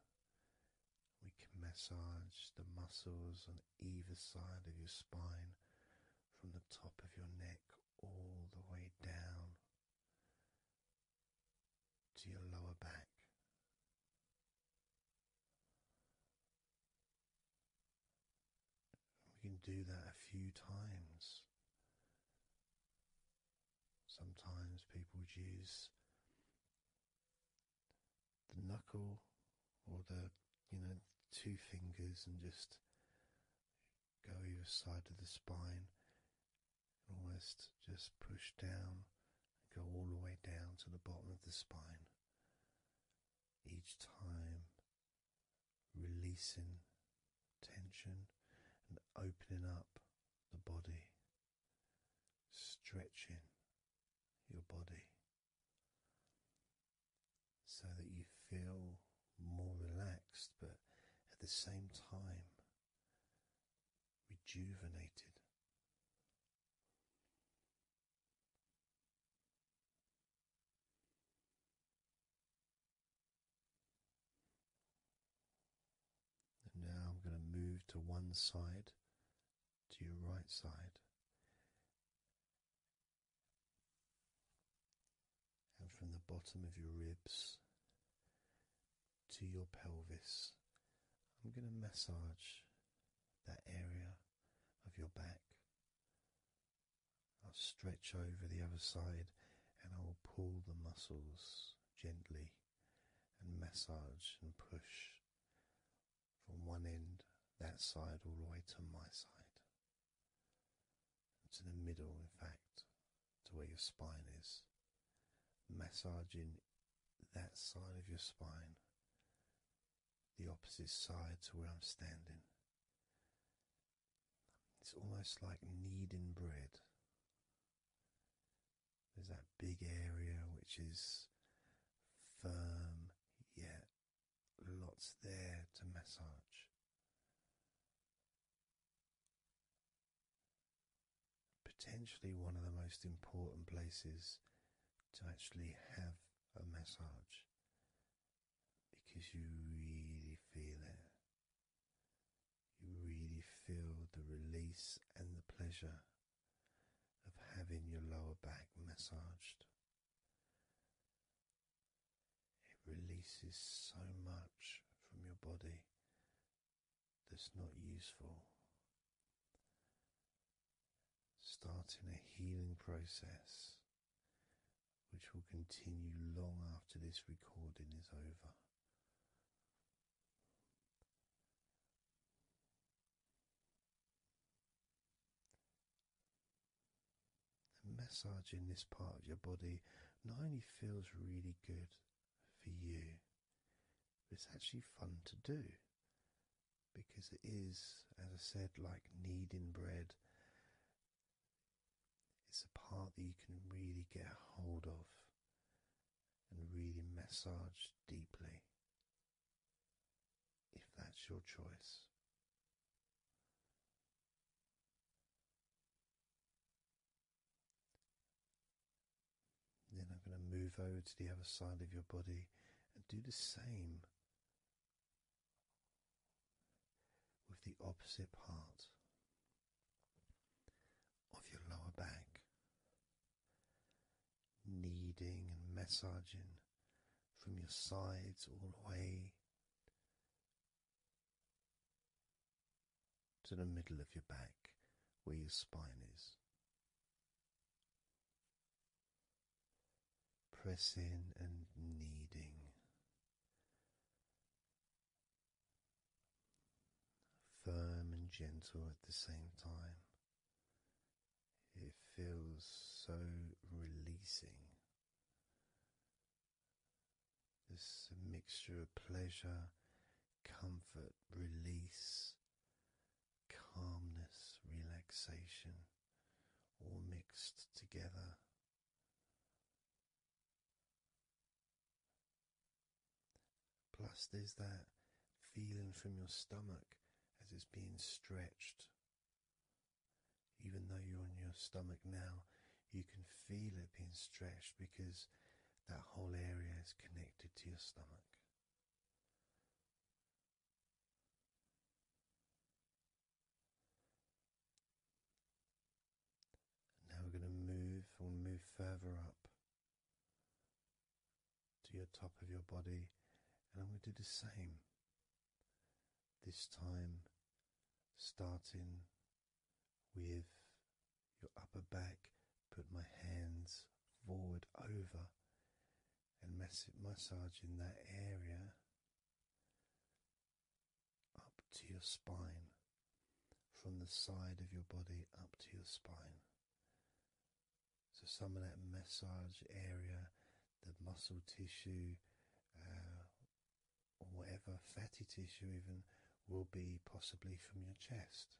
We can massage the muscles on either side of your spine from the top of your neck all the way down to your lower back. We can do that a few times. Sometimes people use the knuckle or the, you know, two fingers and just go either side of the spine almost just push down and go all the way down to the bottom of the spine. Each time, releasing tension and opening up the body, stretching your body so that you feel more relaxed, but at the same time, rejuvenated. now I'm going to move to one side, to your right side. And from the bottom of your ribs to your pelvis. I'm going to massage that area of your back. I'll stretch over the other side and I'll pull the muscles gently and massage and push from one end, that side, all the way to my side. To the middle, in fact, to where your spine is. Massaging that side of your spine, the opposite side to where I'm standing. It's almost like kneading bread. There's that big area which is firm, yet lots there to massage potentially one of the most important places to actually have a massage because you really feel it. You really feel the release and the pleasure of having your lower back massaged. It releases so much from your body that's not useful. Starting a healing process which will continue long after this recording is over. And massaging this part of your body not only feels really good, for you. It's actually fun to do because it is, as I said, like kneading bread. It's a part that you can really get a hold of and really massage deeply if that's your choice. Then I'm going to move over to the other side of your body and do the same with the opposite part of your lower back, kneading and massaging from your sides all the way to the middle of your back where your spine is pressing and kneading, firm and gentle at the same time. It feels so releasing. This mixture of pleasure, comfort, release, calmness, relaxation, all mixed together. Plus, there's that feeling from your stomach as it's being stretched. Even though you're on your stomach now, you can feel it being stretched because that whole area is connected to your stomach. Now we're going to move, we move further up to your top of your body, and I'm going to do the same. This time, starting with your upper back, put my hands forward over and massage in that area up to your spine, from the side of your body up to your spine. So, some of that massage area, the muscle tissue, uh, or whatever fatty tissue, even will be possibly from your chest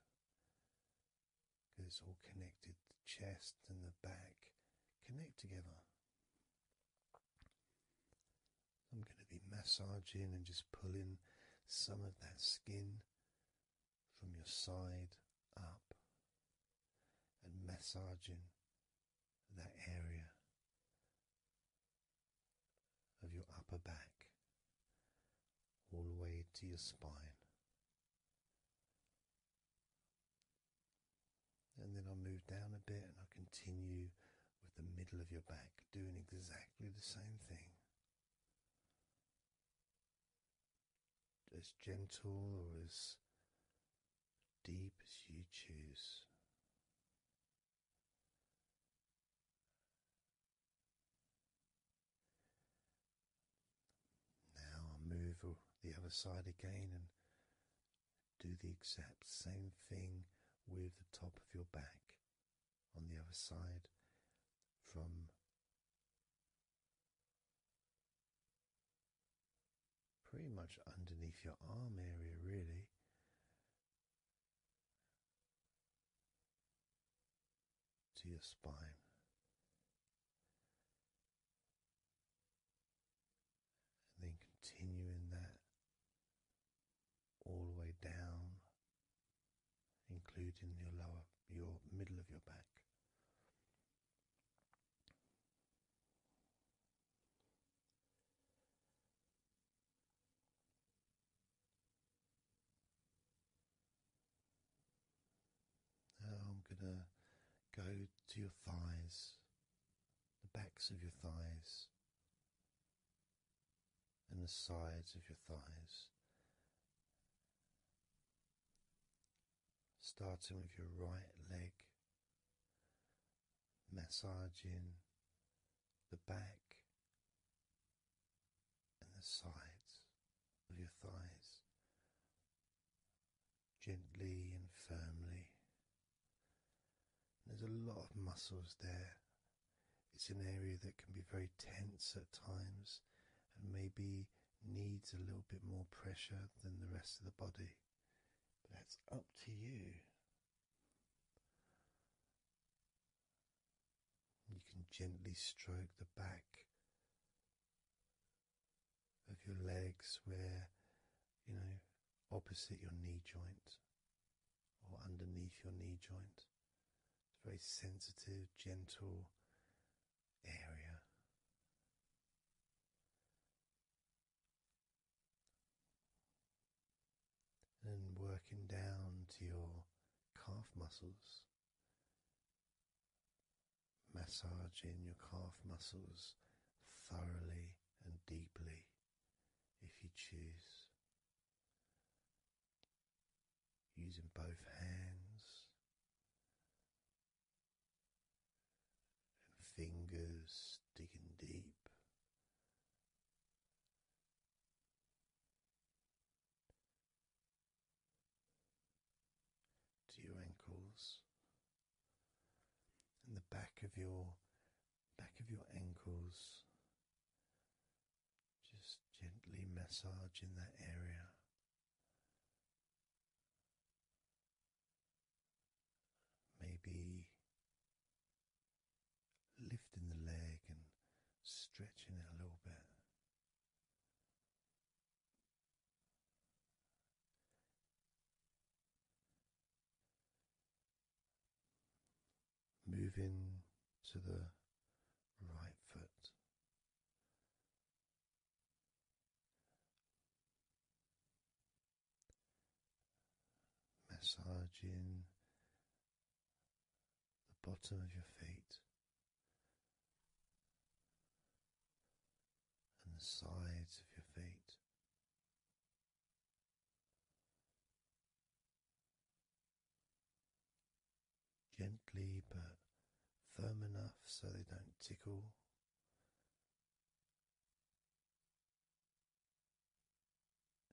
because it's all connected. The chest and the back connect together. I'm going to be massaging and just pulling some of that skin from your side up and massaging that area of your upper back all the way to your spine. And then I'll move down a bit and I'll continue with the middle of your back, doing exactly the same thing. As gentle or as deep as you choose. Now I move the other side again and do the exact same thing with the top of your back on the other side from pretty much underneath your arm area, really to your spine. And then continuing that all the way down, including your lower, your middle of your back. Now uh, I'm going to go to your thighs, the backs of your thighs, and the sides of your thighs. Starting with your right leg, massaging the back and the sides of your thighs gently and firmly. There's a lot of muscles there. It's an area that can be very tense at times and maybe needs a little bit more pressure than the rest of the body. But that's up to you. You can gently stroke the back of your legs where you know opposite your knee joint or underneath your knee joint. It's a very sensitive, gentle area. And working down to your calf muscles, Massaging your calf muscles thoroughly and deeply if you choose. Using both hands and fingers digging deep to your ankles and the back of your back of your ankles just gently massage in that area maybe lifting the leg and stretching it a little bit Moving to the right foot. Massaging the bottom of your feet and the sides of your feet. Gently but firm enough so they don't tickle.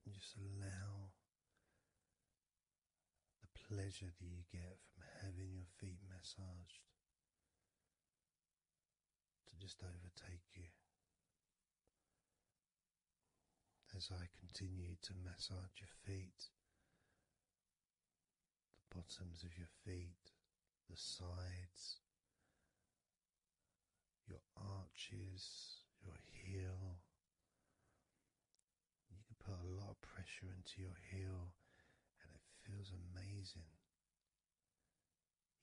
And just allow the pleasure that you get from having your feet massaged to just overtake you as I continue to massage your feet, the bottoms of your feet, the sides, your arches, your heel. You can put a lot of pressure into your heel and it feels amazing.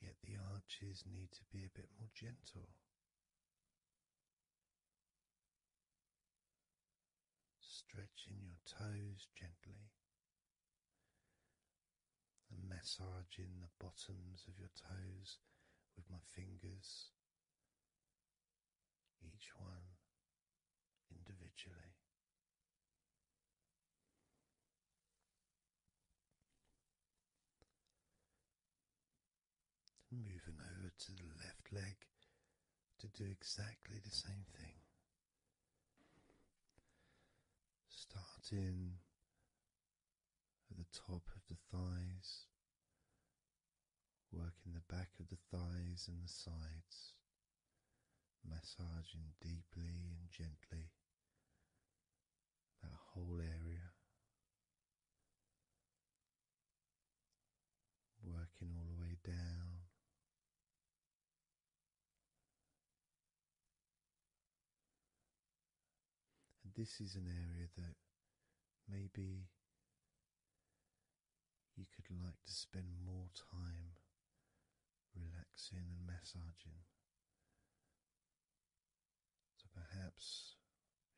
Yet the arches need to be a bit more gentle. Stretching your toes gently and massaging the bottoms of your toes with my fingers, each one individually moving over to the left leg to do exactly the same thing. Starting at the top of the thighs, working the back of the thighs and the sides massaging deeply and gently that whole area, working all the way down. this is an area that maybe you could like to spend more time relaxing and massaging. So perhaps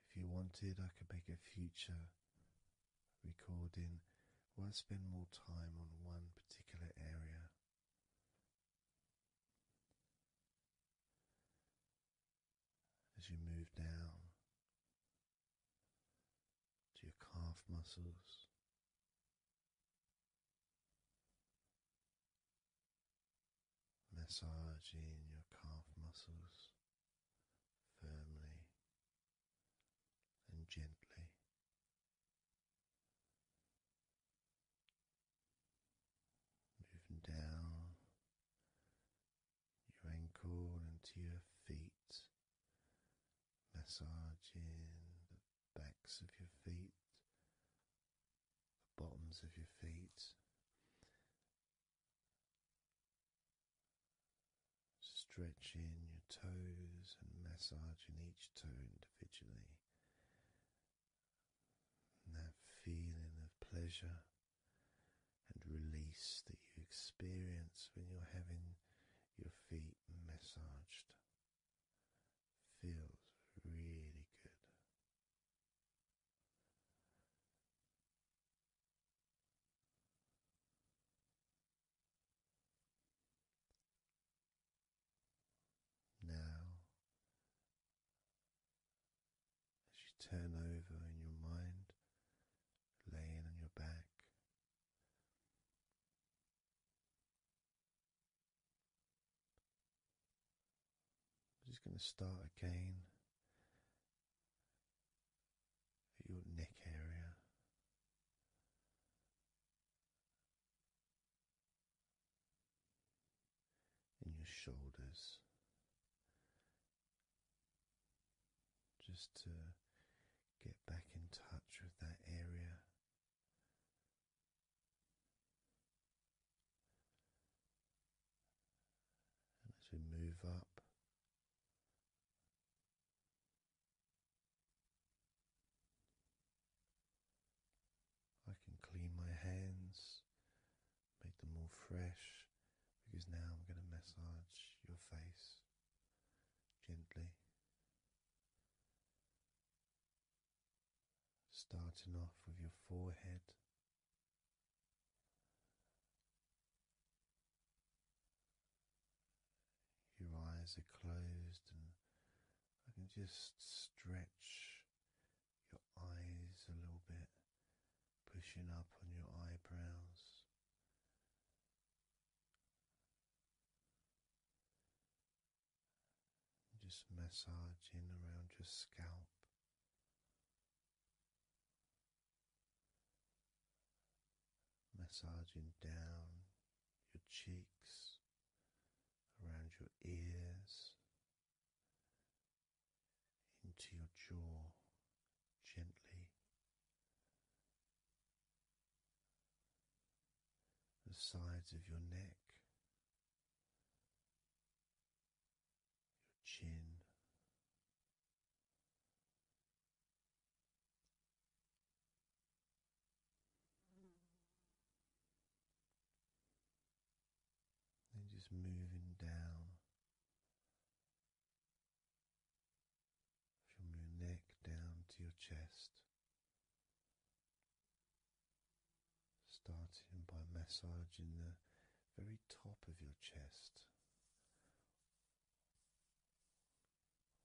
if you wanted, I could make a future recording where I spend more time on one particular area. As you move down to your calf muscles, massaging your calf muscles firmly and gently. Moving down your ankle into your feet, massaging the backs of your feet, the bottoms of your feet, stretching your toes and massaging each toe individually. that feeling of pleasure and release that you experience when you're having your feet massaged feels really good. Now, as you turn over in your mind, laying on your back, I'm just going to start again at your neck area. In your shoulders, just to get back in touch with that area as we move up. I can clean my hands, make them more fresh, because now I'm going to massage your face gently starting off with your forehead. Your eyes are closed, and I can just stretch your eyes a little bit, pushing up on your eyebrows. Just massaging around your scalp. Massaging down your cheeks, around your ears, into your jaw gently, the sides of your neck, your chin. And just moving down from your neck down to your chest. Starting by massaging the very top of your chest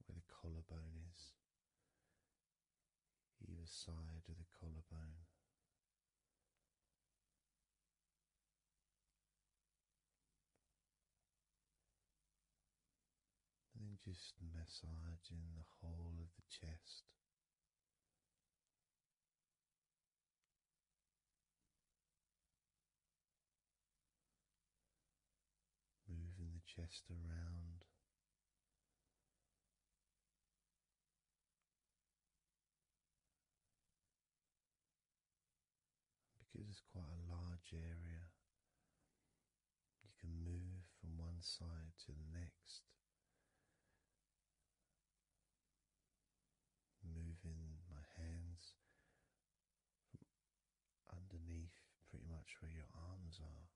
where the collarbone is, either side of the collarbone. And then just massaging the whole of the chest, Moving the chest around. Because it's quite a large area, you can move from one side to the next, moving my hands from underneath pretty much where your arms are,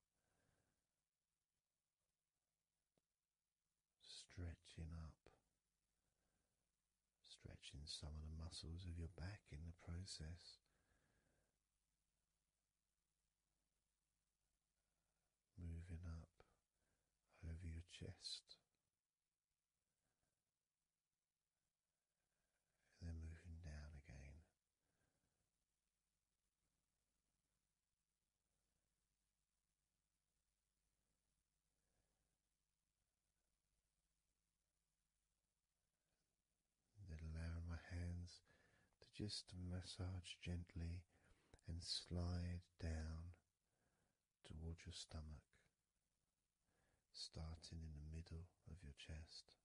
stretching up, stretching some of the muscles of your back in the process moving up over your chest. And then moving down again. then allowing my hands to just massage gently and slide down towards your stomach, starting in the middle of your chest.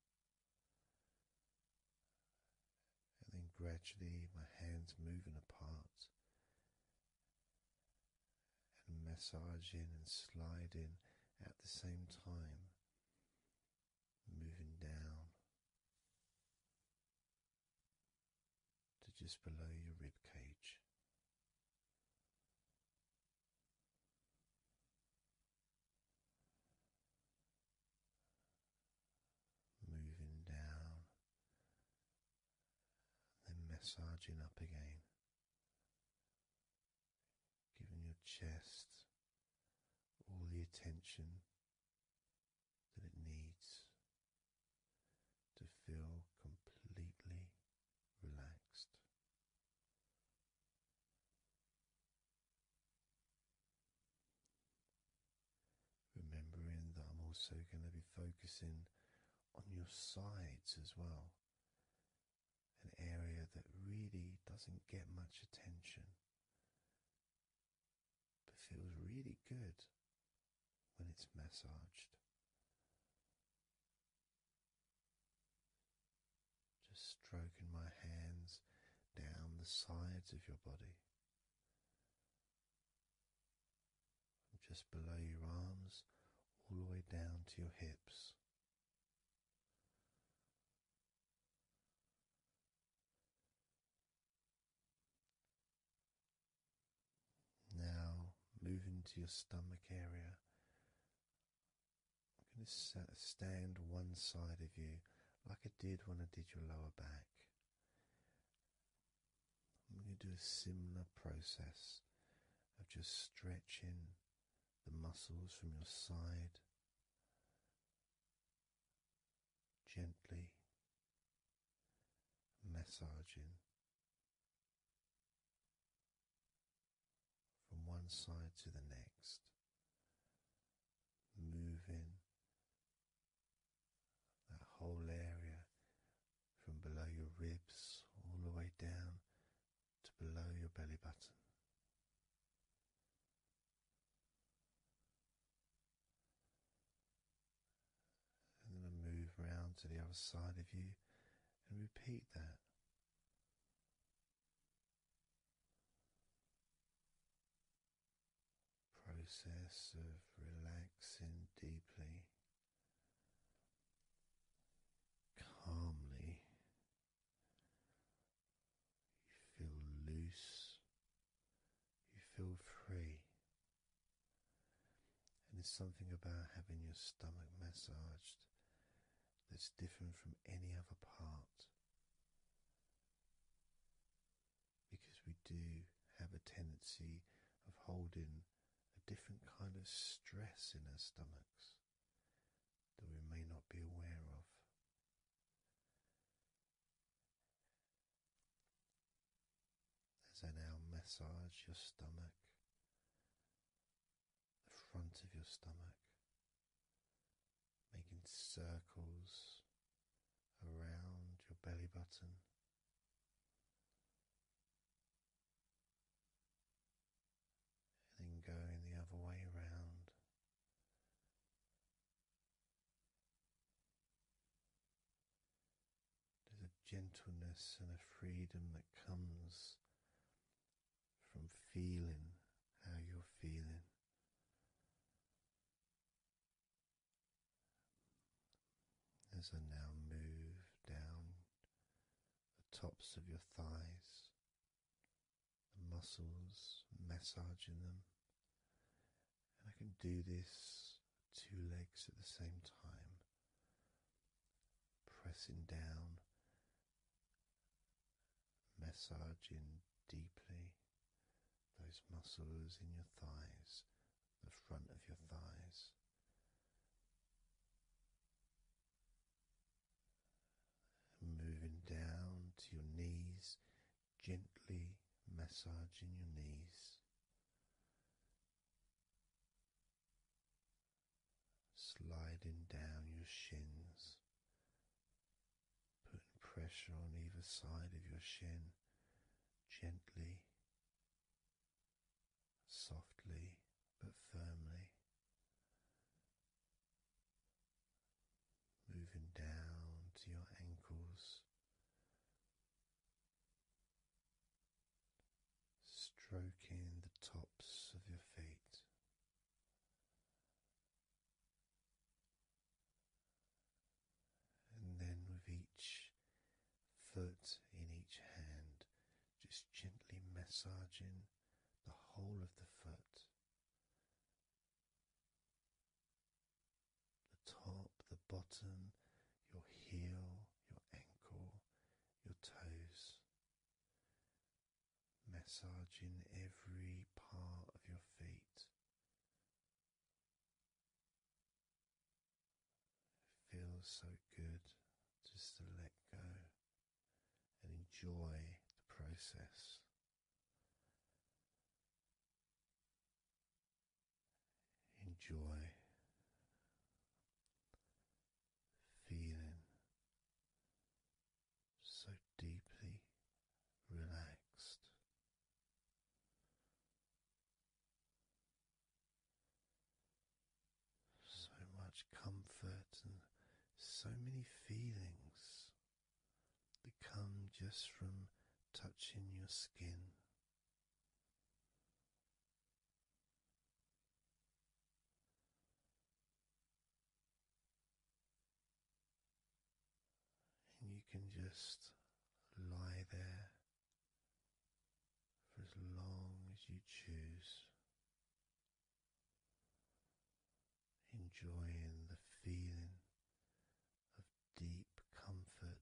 And then gradually my hands moving apart and massaging and sliding at the same time, moving down to just below your rib cage. Moving down, then massaging up again, giving your chest all the attention that it needs to feel completely relaxed. Remembering that I'm also going to be focusing on your sides as well, an area that really doesn't get much attention but feels really good when it's massaged. Just stroking my hands down the sides of your body, just below your arms, all the way down to your hips. Now move into your stomach area. I'm going to stand one side of you like I did when I did your lower back. I'm going to do a similar process of just stretching the muscles from your side gently massaging from one side to the next, moving that whole area from below your ribs all the way down to below your belly button. And then I move around to the other side of you and repeat that. Process of relaxing deeply, calmly, you feel loose you feel free. And there's something about having your stomach massaged that's different from any other part. Because we do have a tendency of holding a different kind of stress in our stomachs that we may not be aware of. As I now massage your stomach, the front of your stomach, making circles around your belly button. And then going the other way around, there's a gentleness and a freedom that comes from feeling how you're feeling. As I now move down the tops of your thighs, the muscles, massaging them, and I can do this two legs at the same time, pressing down, massaging deeply those muscles in your thighs, the front of your thighs. Moving down to your knees, gently massaging your knees. Sliding down your shins, putting pressure on either side of your shin gently, softly, but firmly. Moving down to your ankles, stroking the tops of your feet. And then, with each foot in each hand, just gently massaging the whole of the foot, the top, the bottom, your heel, your ankle, your toes. Massaging every part of your feet. feels so good just to let go and enjoy the process enjoy feeling so deeply relaxed. So much comfort and so many feelings that come just from touching your skin and you can just lie there for as long as you choose, enjoying the feeling of deep comfort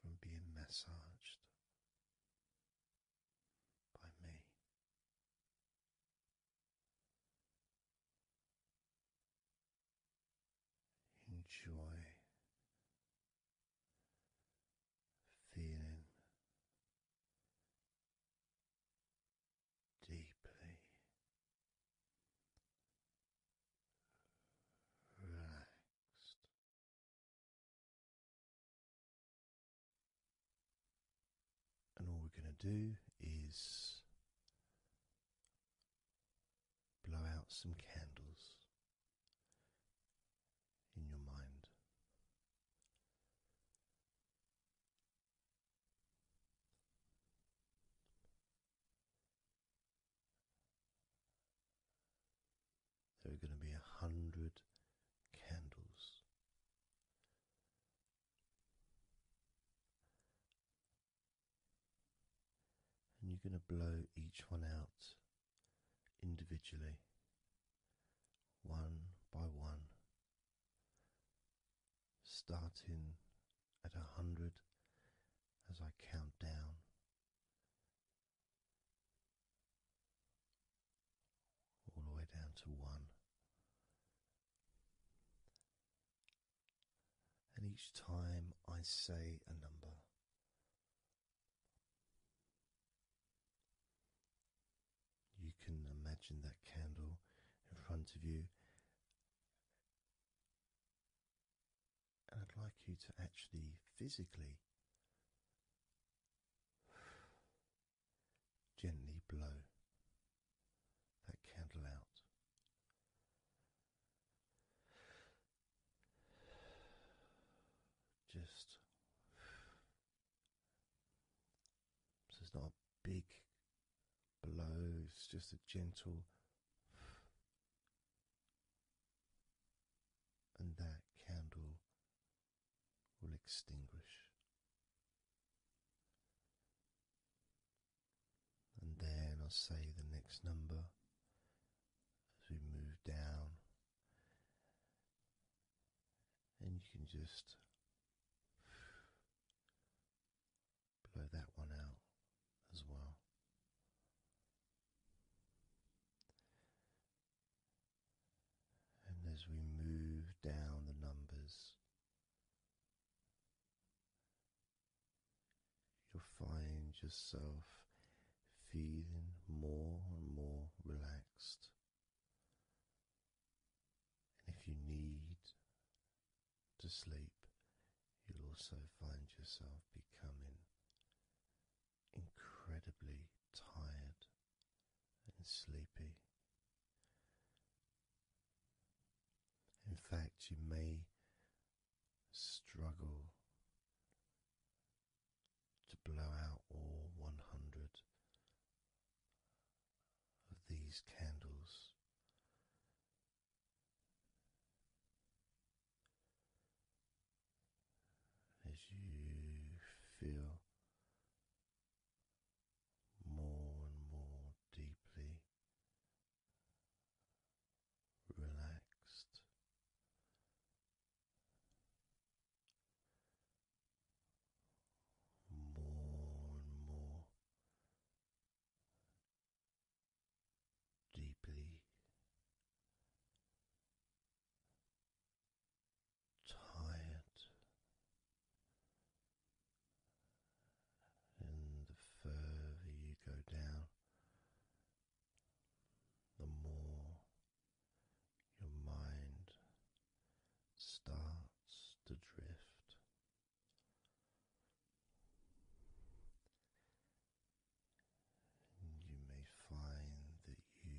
from being massaged by me. Enjoy feeling deeply and all we're going to do is blow out some candles in your mind. There are going to be a hundred candles. And you're going to blow each one out individually, one by one, starting at a hundred as I count down. All the way down to one. And each time I say a number, you can imagine that candle in front of you and I'd like you to actually physically gently blow that candle out. Just it's not a big blow, it's just a gentle and that candle will extinguish. And then I'll say the next number as we move down, and you can just blow that one out as well. And as we move down the numbers, you'll find yourself feeling more and more relaxed. And if you need to sleep, you'll also find yourself becoming incredibly tired and sleepy. In fact, you may struggle to blow out all 100 of these candles as you feel more and more deeply relaxed. More and more deeply tired and the further you go down, the more your mind starts to drift you may find that you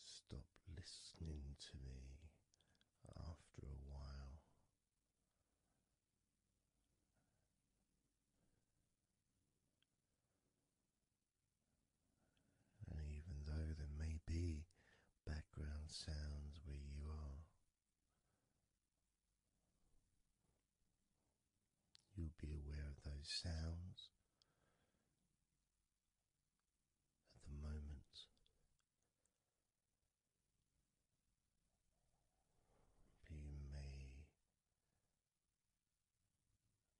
stop listening to me after a while. And even though there may be background sounds where you are, You'll be aware of those sounds at the moment. you may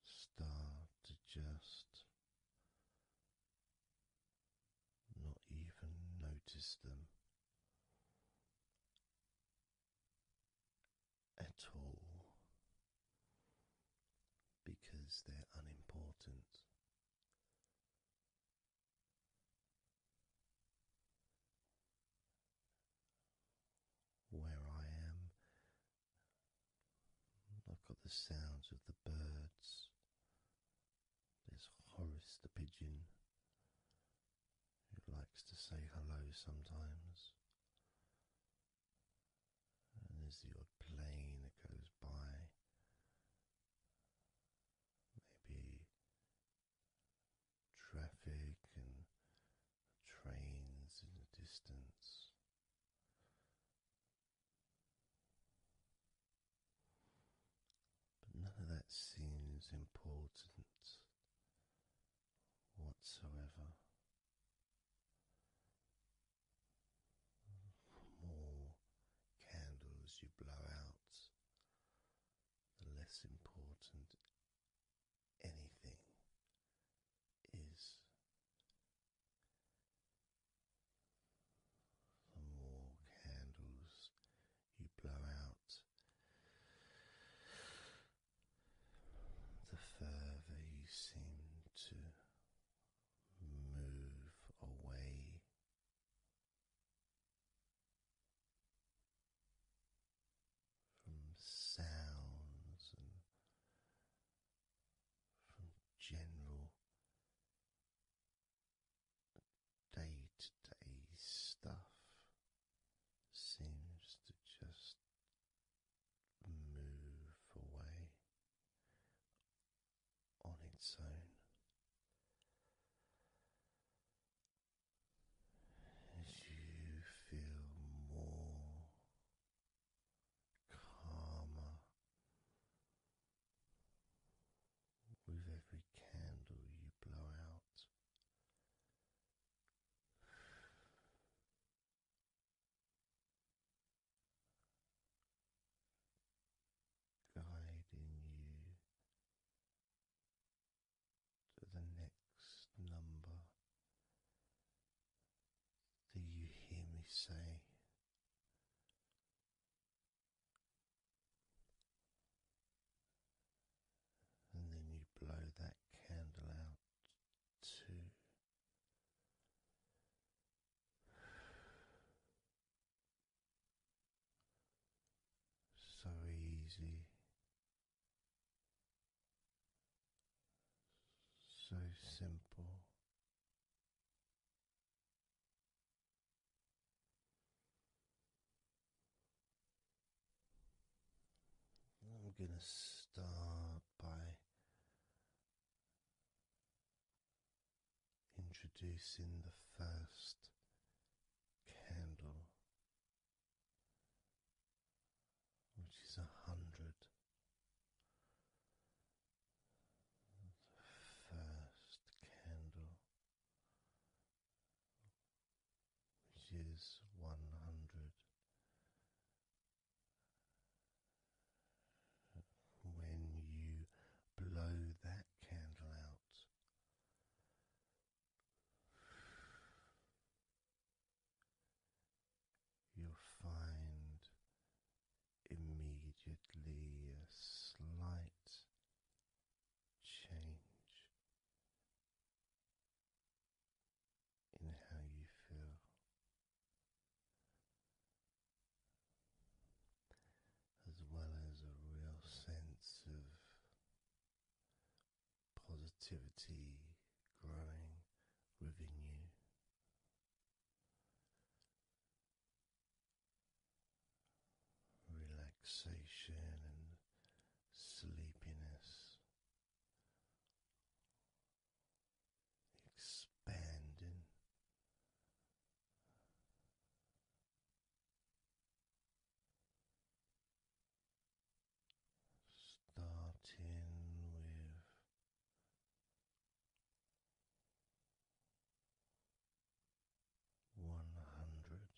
start to just not even notice them at all because they're unimportant. Where I am, I've got the sounds of the birds. There's Horace the pigeon who likes to say hello sometimes. And there's the plane goes by. Maybe traffic and trains in the distance. But none of that seems important whatsoever. more candles you blow out, the less important anything is. The more candles you blow out, the further you seem to move away. From sounds and from general day to day stuff, seems to just move away on its own. you feel more calmer with every candle you blow out, guiding you to the next number that you hear me say. And then you blow that candle out two. So easy, so simple, I'm going to start by introducing the first candle, which is a hundred. first candle, which is one hundred when you blow that candle out. You'll find immediately a slight change in how you feel. As well as a real sense of positivity growing within you. Relaxation and sleepiness expanding. Starting with one hundred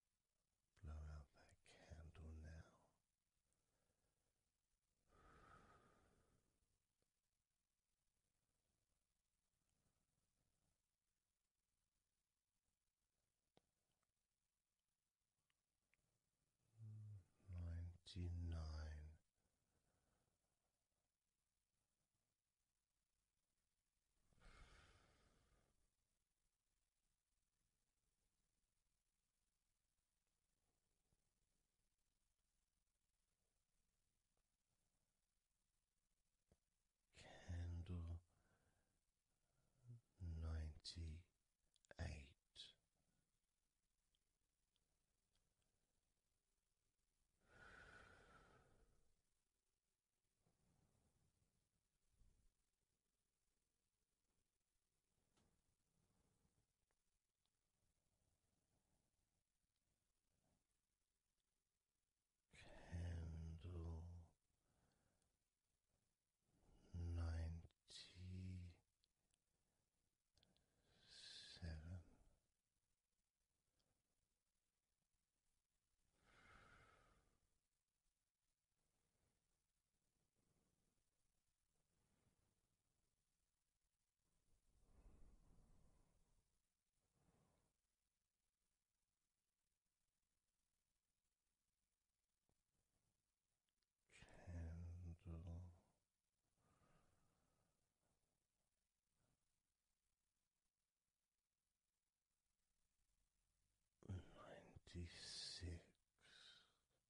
Blow out that candle now. Ninety nine. Candle ninety eight Candle ninety seven. Candle. Ninety six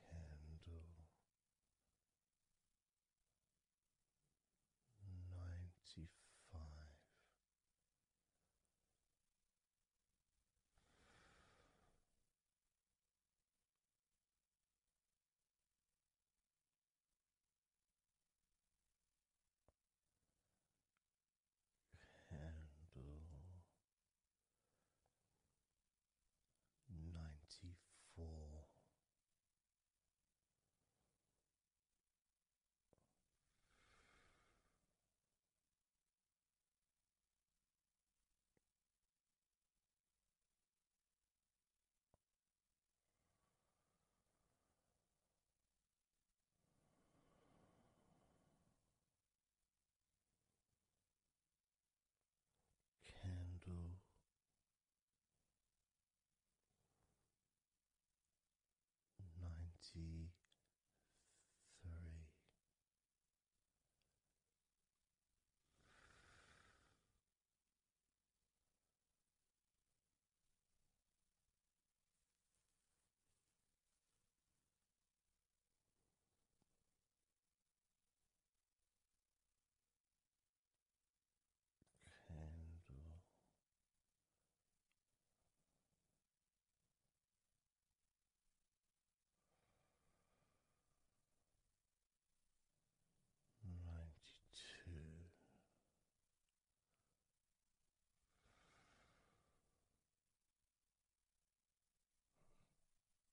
candle ninety five. Candle ninety four candle. Ninety three, Candle. Ninety two,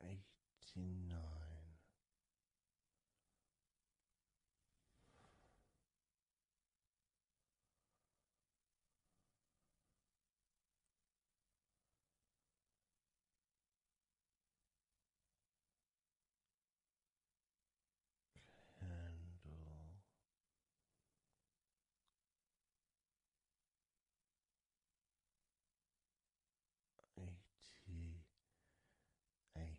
Eighty nine Candle eighty eight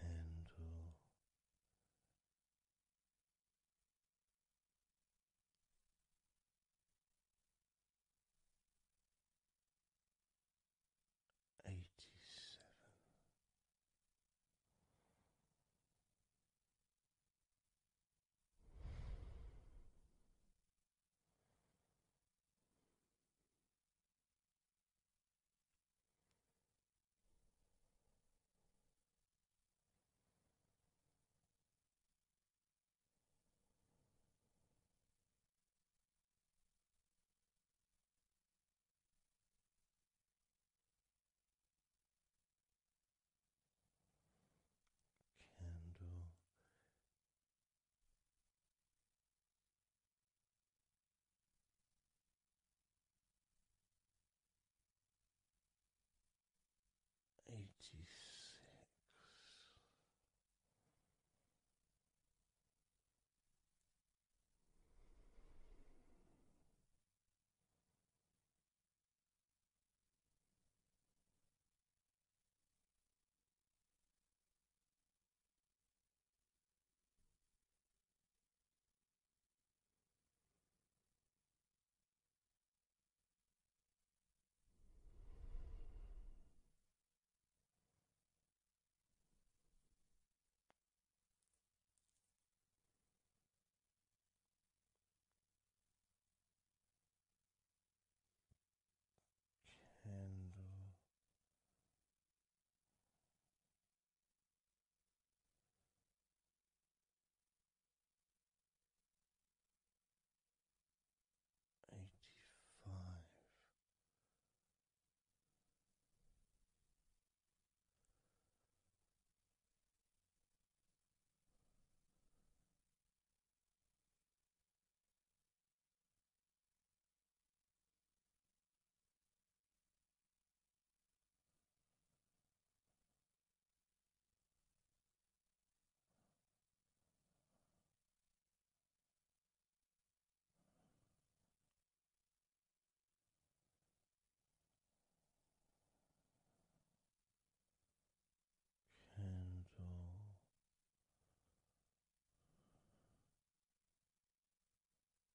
candle. Eighty seven, Candle Eighty six. Candle eighty five. Candle Candle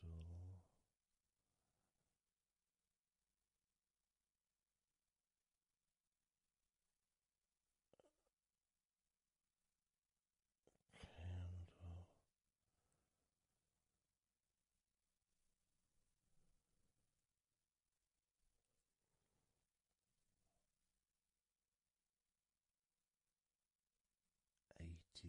candle Eighty two.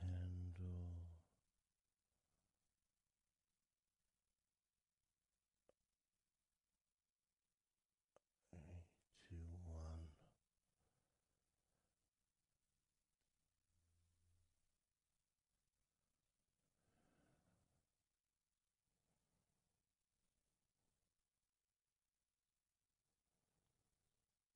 handle uh, eighty one.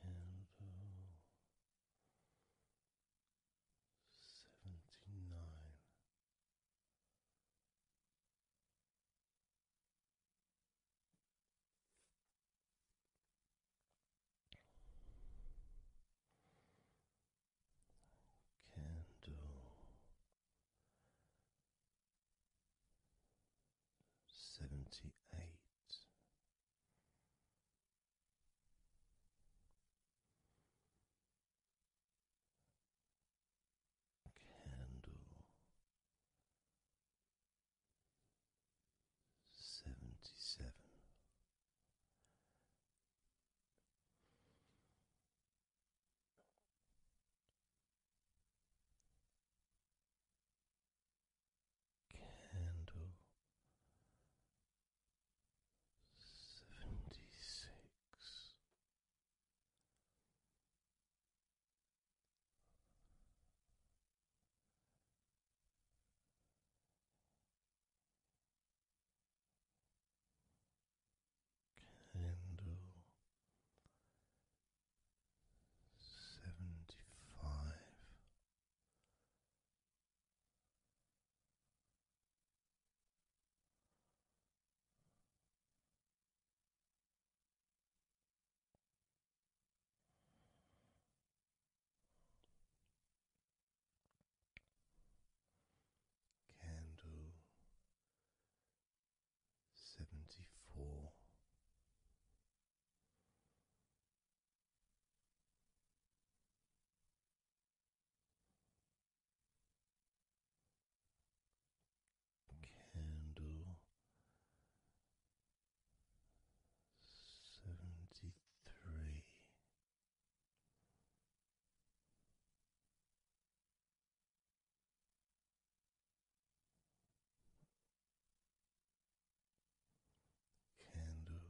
candle seventy nine. Candle seventy eight, candle seventy seven. Candle seventy six. Candle seventy five. Candle seventy four. Candle seventy three candle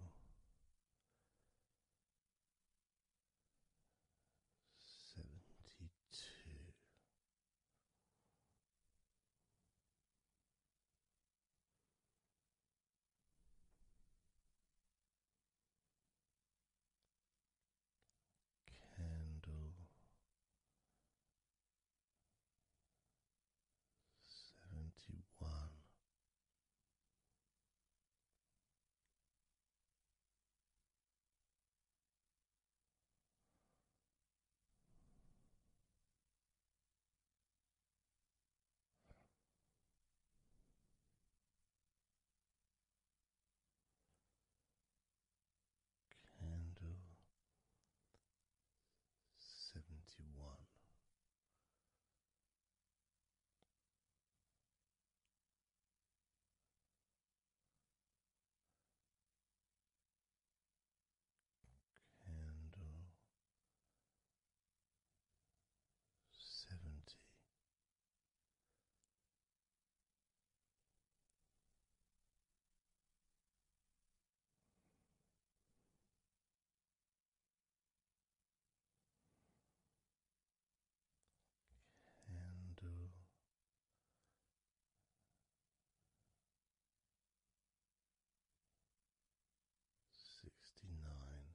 seventy two. Candle seventy one candle seventy one. Candle seventy Candle. Uh, Sixty nine,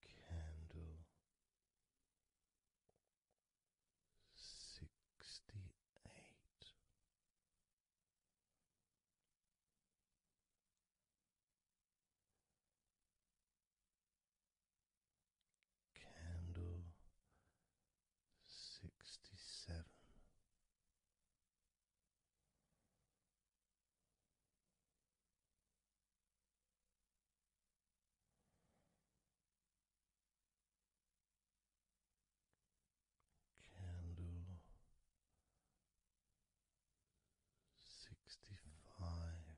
Candle sixty eight. Candle sixty seven, Candle sixty five.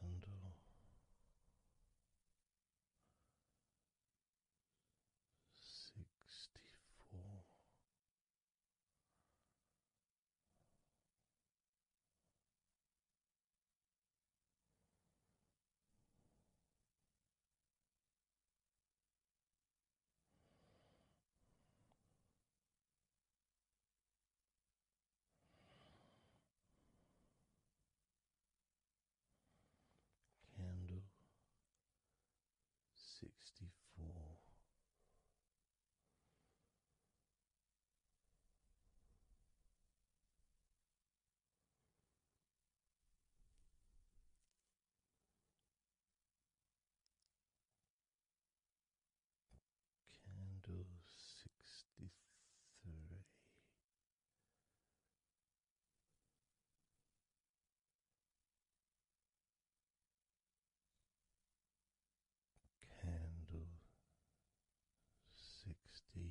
Candle sixty four candle sixty four. Candle sixty three, Candle sixty two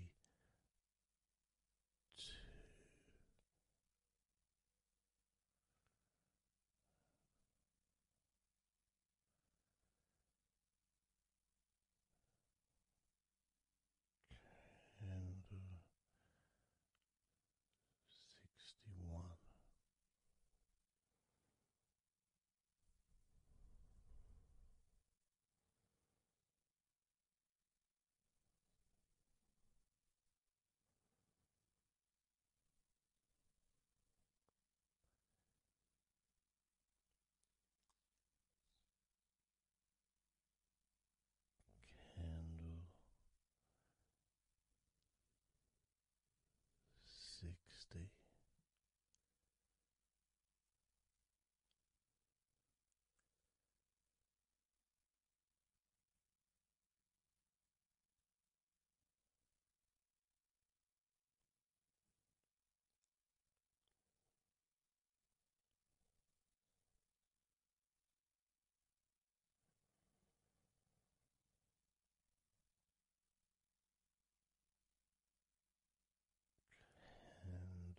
candle sixty one candle sixty.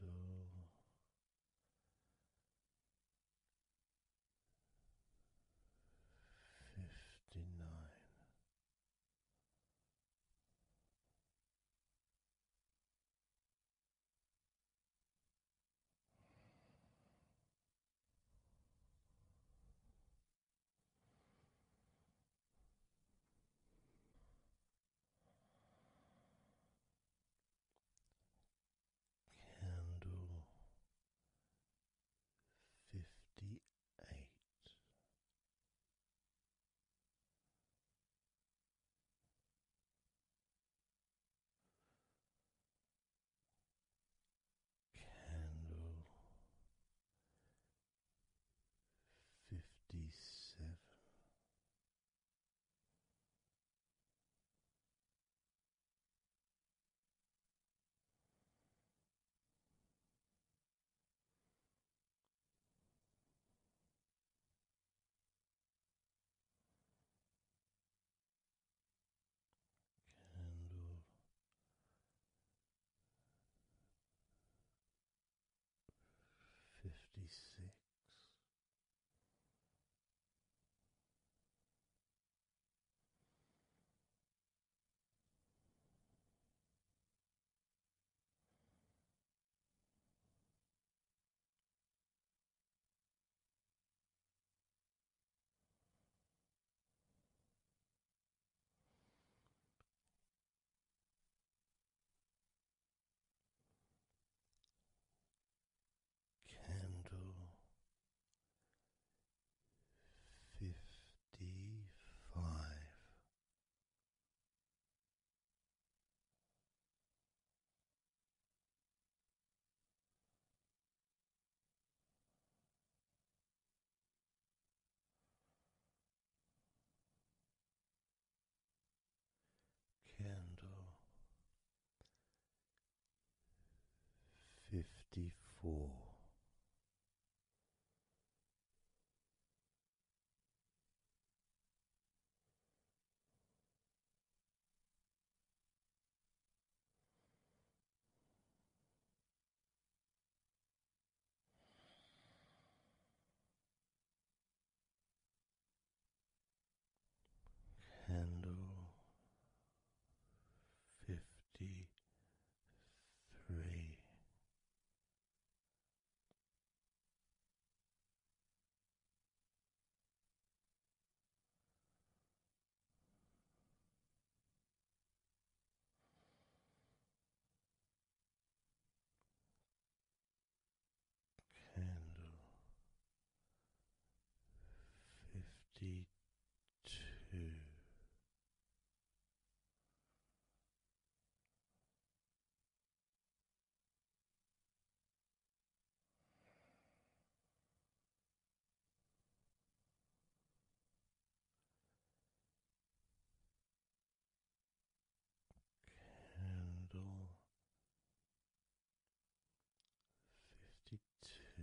Candle. Uh, Fifty nine, Candle fifty eight candle fifty seven candle fifty six. Candle fifty five. Candle fifty four. Candle fifty three. Candle fifty two. Candle fifty two.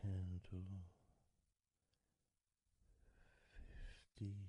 Candle fifty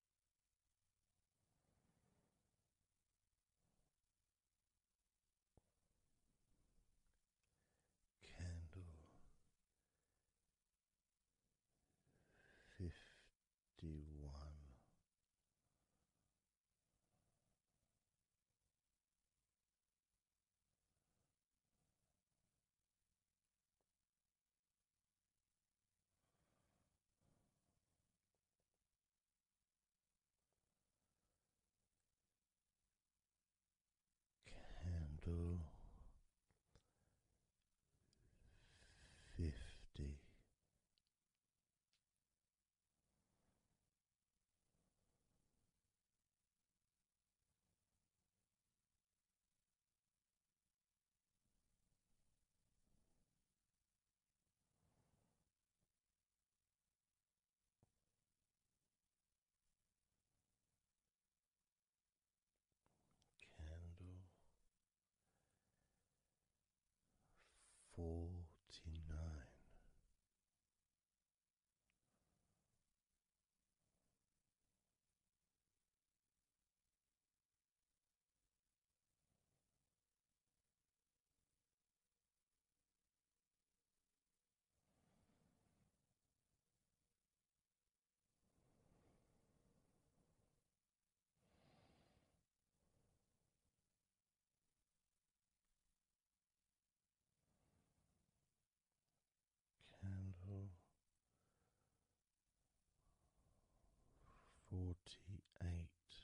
Candle fifty one. Candle fifty. Candle forty nine. Candle forty eight.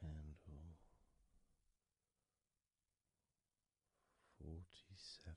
Candle forty seven.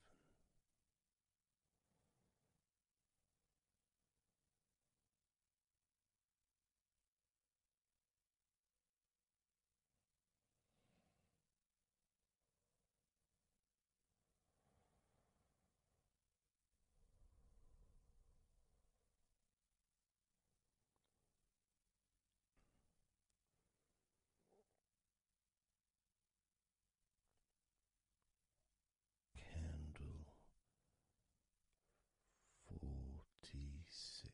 Candle forty six.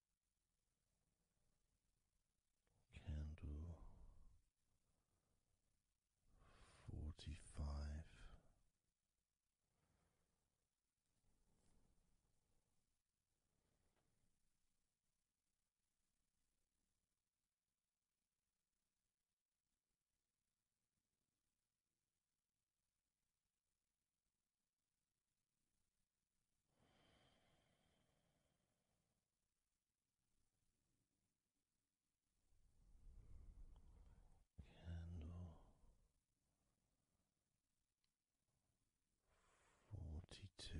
Candle forty five. Candle forty two.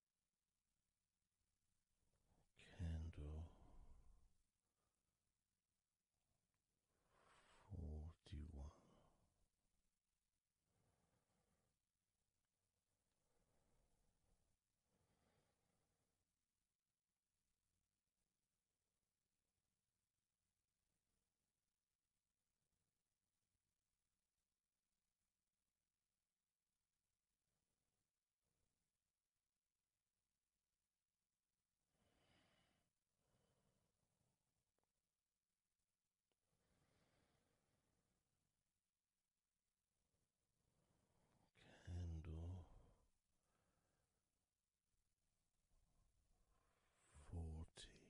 candle forty one. Candle forty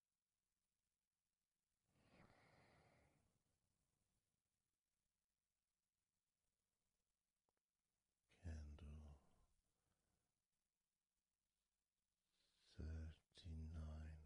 Candle thirty nine.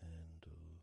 Handle thirty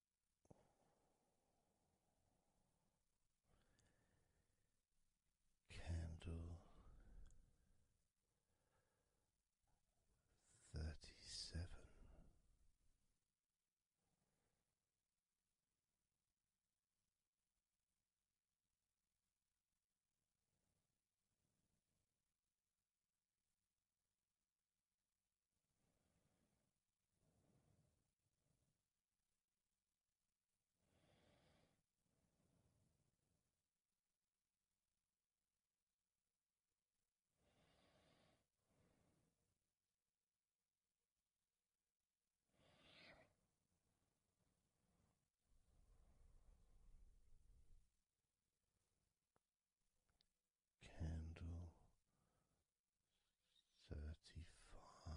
Candle thirty seven. Candle thirty five.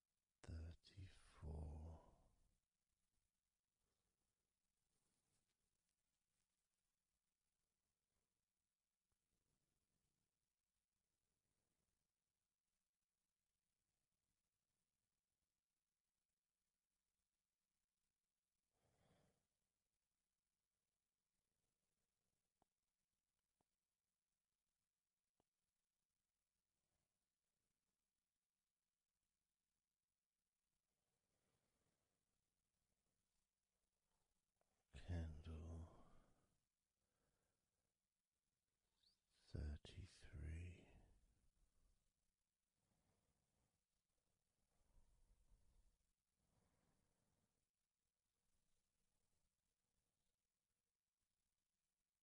thirty four. Candle thirty three. Candle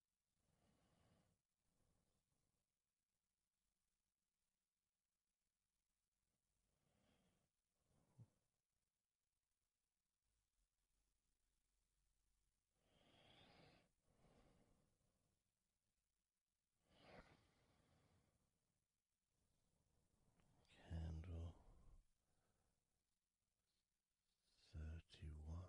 thirty one.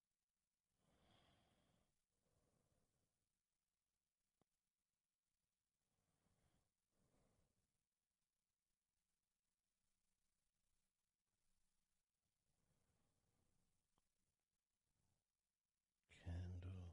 Candle thirty.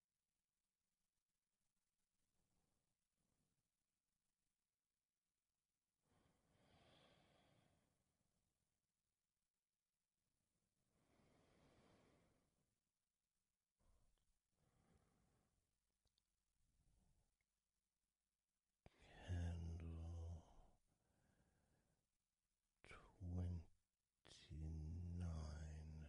Candle twenty nine.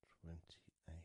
Candle twenty eight.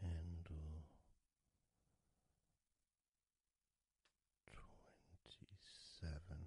Candle twenty seven.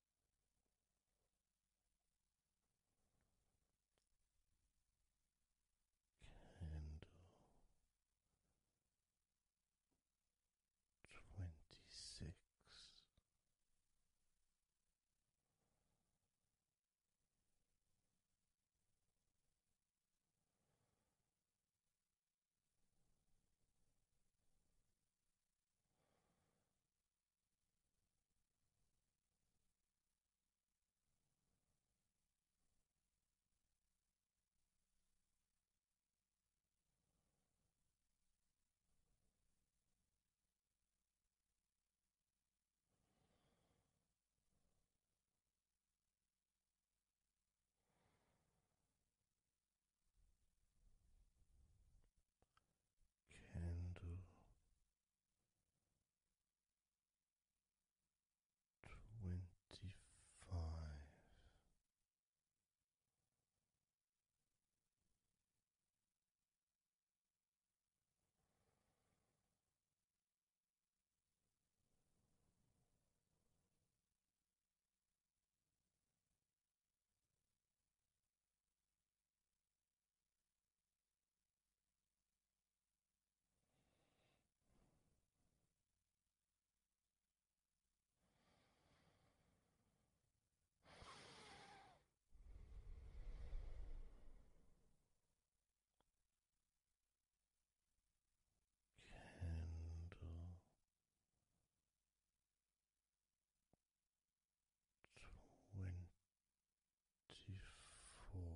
Candle twenty six. Candle twenty five. Candle twenty four.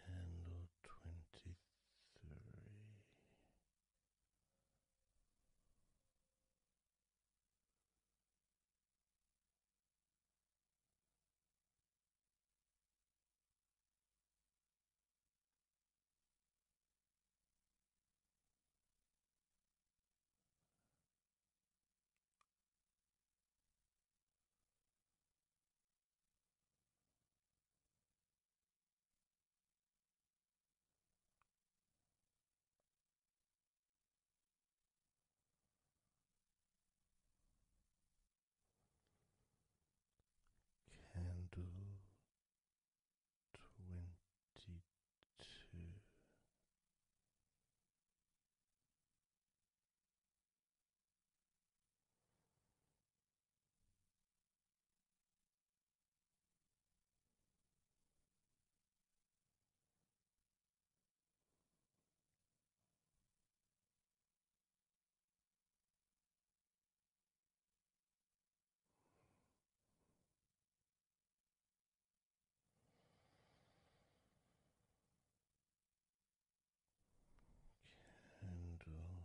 Candle twenty three. Candle twenty two. Candle twenty one.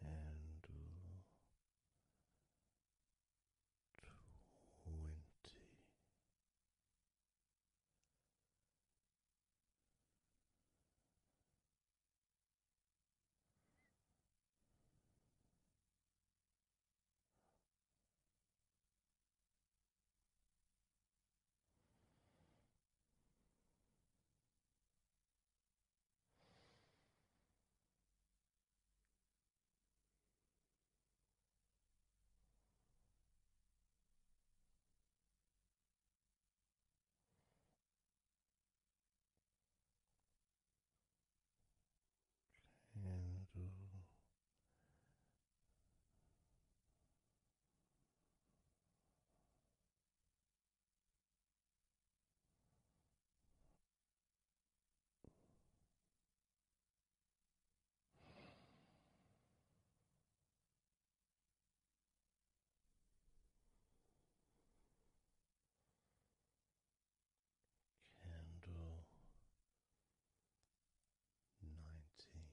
candle twenty. Candle. Candle nineteen.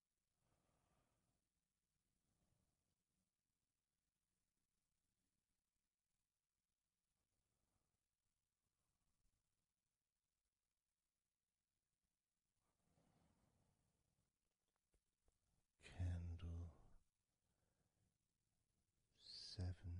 Candle seventeen.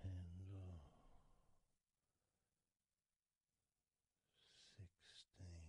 Candle sixteen.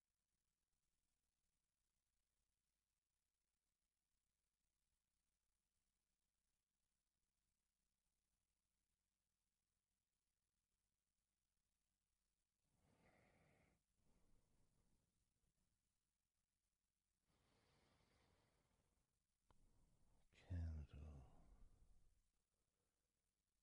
Candle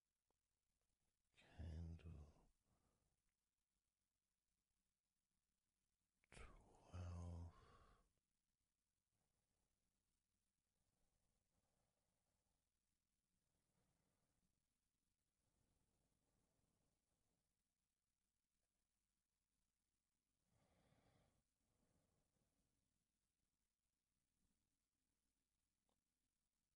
candle twelve.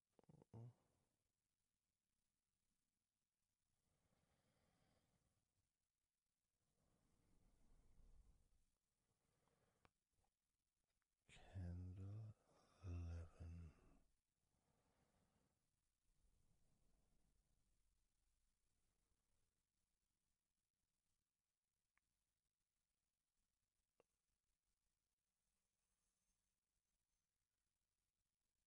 Candle eleven.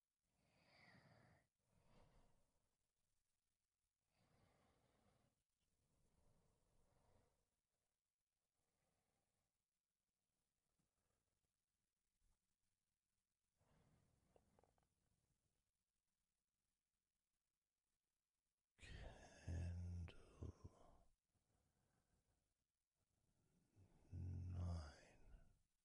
Candle nine.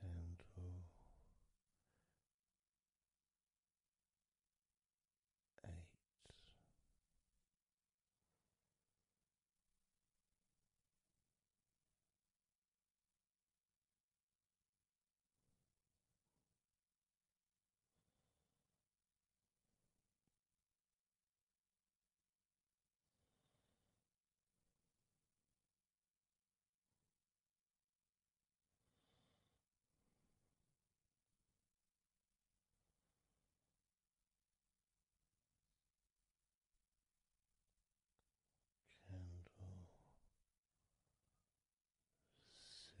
candle eight. Candle six.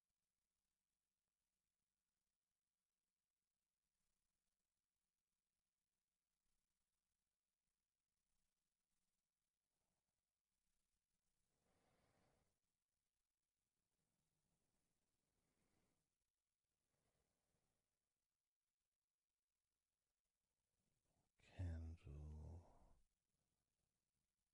Candle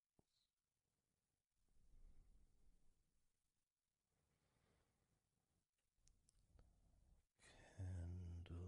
Candle three.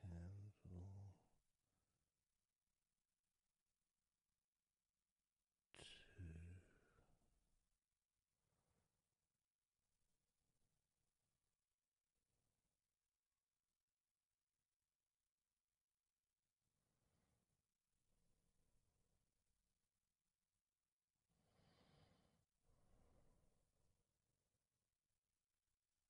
candle two.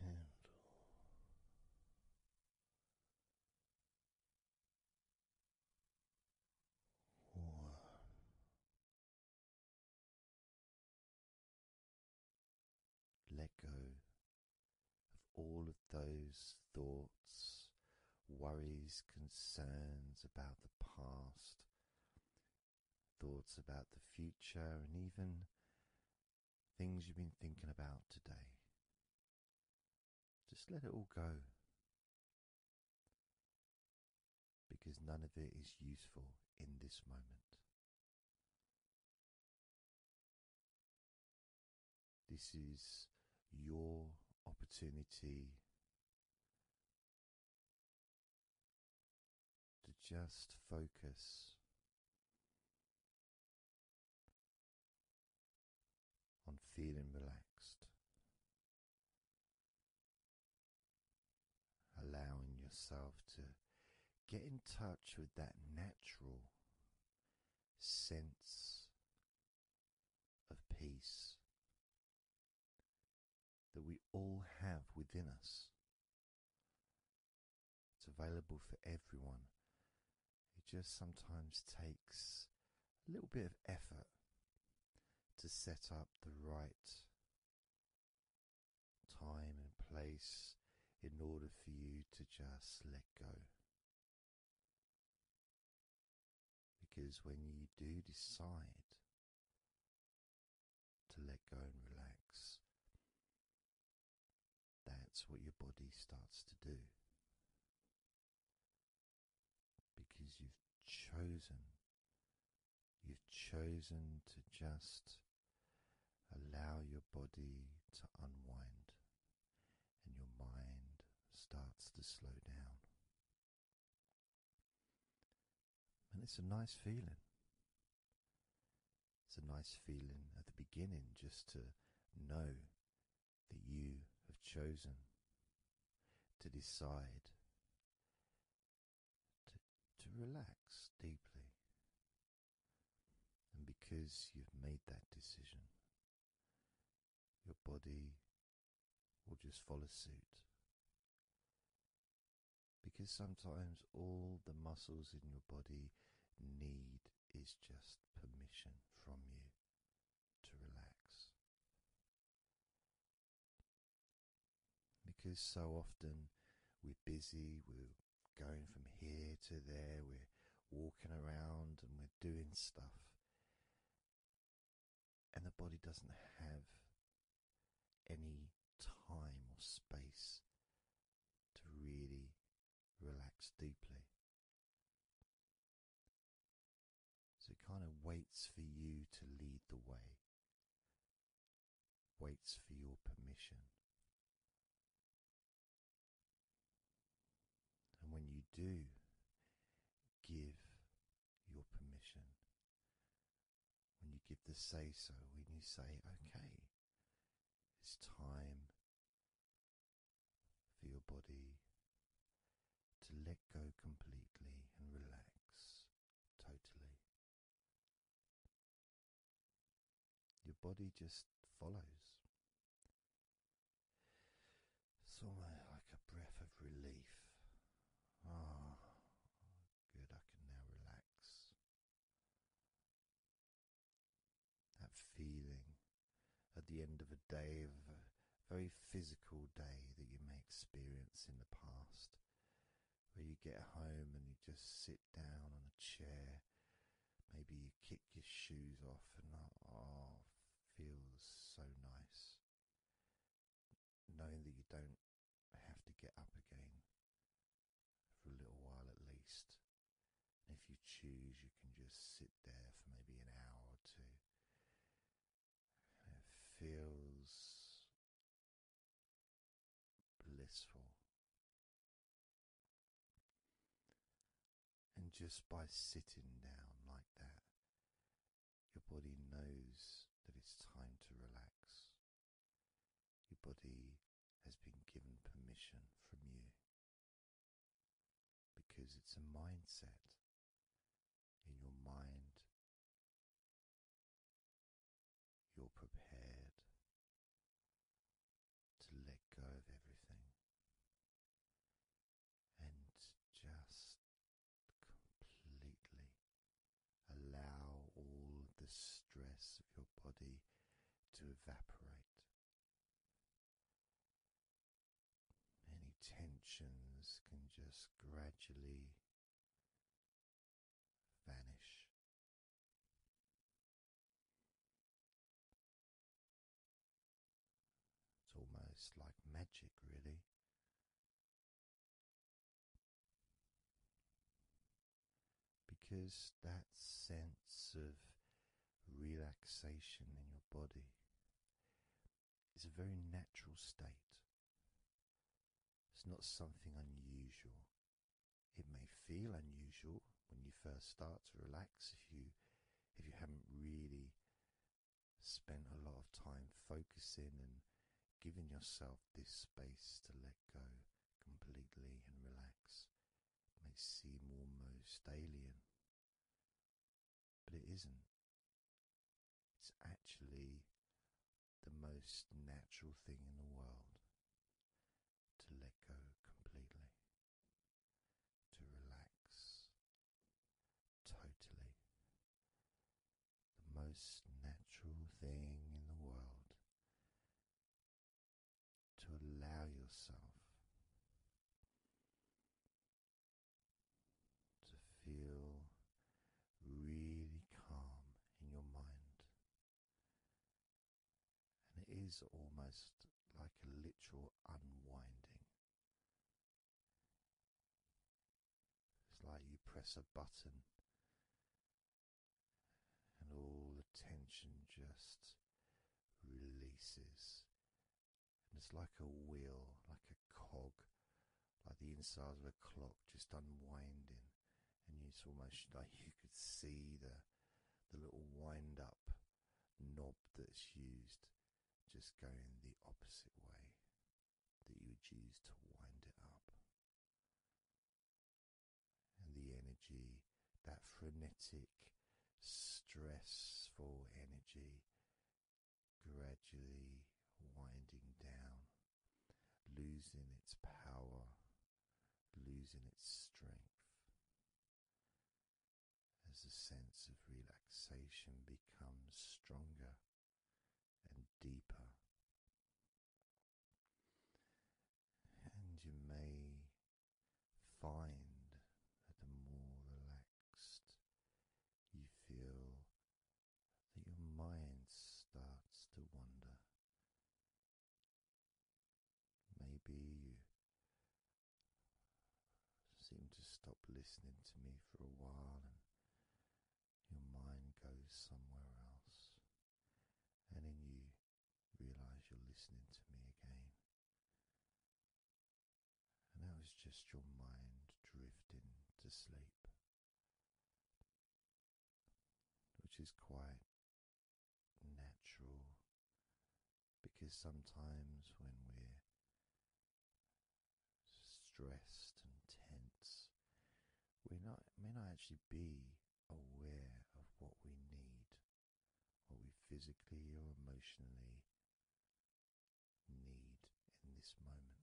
candle. One. Let go of all of those thoughts, worries, concerns about the past, thoughts about the future and even things you've been thinking about today. Just let it all go because none of it is useful in this moment. This is your opportunity to just focus on feeling relaxed, allowing yourself to get in touch with that natural sense of peace that we all have within us. It's available for everyone. It just sometimes takes a little bit of effort to set up the right time and place in order for you to just let go. Because when you do decide to let go and relax. That's what your body starts to do because you've chosen, you've chosen to just allow your body to unwind and your mind starts to slow down. And it's a nice feeling. It's a nice feeling at the beginning just to know that you have chosen to decide to, relax deeply. And because you've made that decision, your body will just follow suit because sometimes all the muscles in your body need is just permission from you to relax. Because so often we're busy, we're going from here to there, we're walking around and we're doing stuff, and the body doesn't have any time or space to really relax deeply. So it kind of waits for you to lead the way, waits for your permission. And when you do give your permission, when you give the say so, when you say, okay, it's time for your body to let go completely and relax totally. Your body just follows. It's almost like a breath of relief. Ah, Good, I can now relax. That feeling at the end of a day, of a very physical day that you may experience in the past, where you get home and you just sit down on a chair, maybe you kick your shoes off, and oh, feels so nice knowing that you don't have to get up again for a little while at least. if you choose, you can just sit there for maybe an hour or two. it feels blissful. And just by sitting down like that, your body knows that it's time to relax. Your body has been given permission from you because it's a mindset in your mind. You're prepared to let go of everything and just completely Allow all the stress of your body to evaporate. Any tensions can just gradually vanish. It's almost like magic, really. Because that sense of relaxation in your body is a very natural state. It's not something unusual. It may feel unusual when you first start to relax if you if you haven't really spent a lot of time focusing and giving yourself this space to let go completely and relax it may seem almost alien, but it isn't. It's actually the most natural thing in the world to let go completely, to relax totally. The most natural thing in the world to allow yourself to feel really calm in your mind. And it is almost like a literal unwinding. It's like you press a button and all the tension just releases. And it's like a wheel, like a cog, like the inside of a clock just unwinding. And it's almost like you could see the the little wind up knob that's used just going the opposite way that you would use to wind it up and the energy, that frenetic, stressful energy, gradually winding down, losing its power, losing its strength. As a sense of relaxation becomes stronger and deeper, and you may find that the more relaxed you feel, that your mind starts to wander. Maybe you seem to stop listening to me for a while and your mind goes somewhere else, and then you realize you're listening to me again. And that was just your mind drifting to sleep, which is quite natural because sometimes when we're stressed and tense, we may not actually be aware of what we need, what we physically or emotionally need in this moment.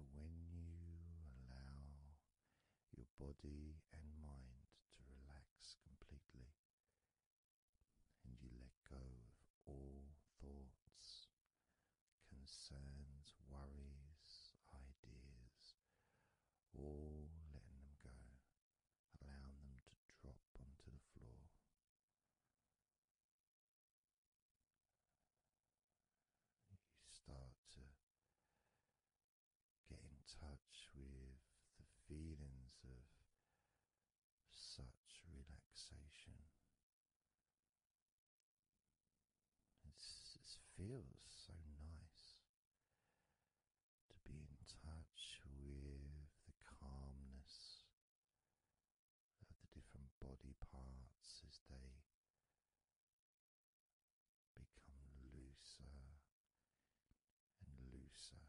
But when you allow your body and mind to relax completely, and you let go of all thoughts concerns, worries, ideas, all letting them go, allowing them to drop onto the floor. You start to get in touch with the feelings of such relaxation it's, it feels so nice to be in touch with the calmness of the different body parts as they become looser and looser.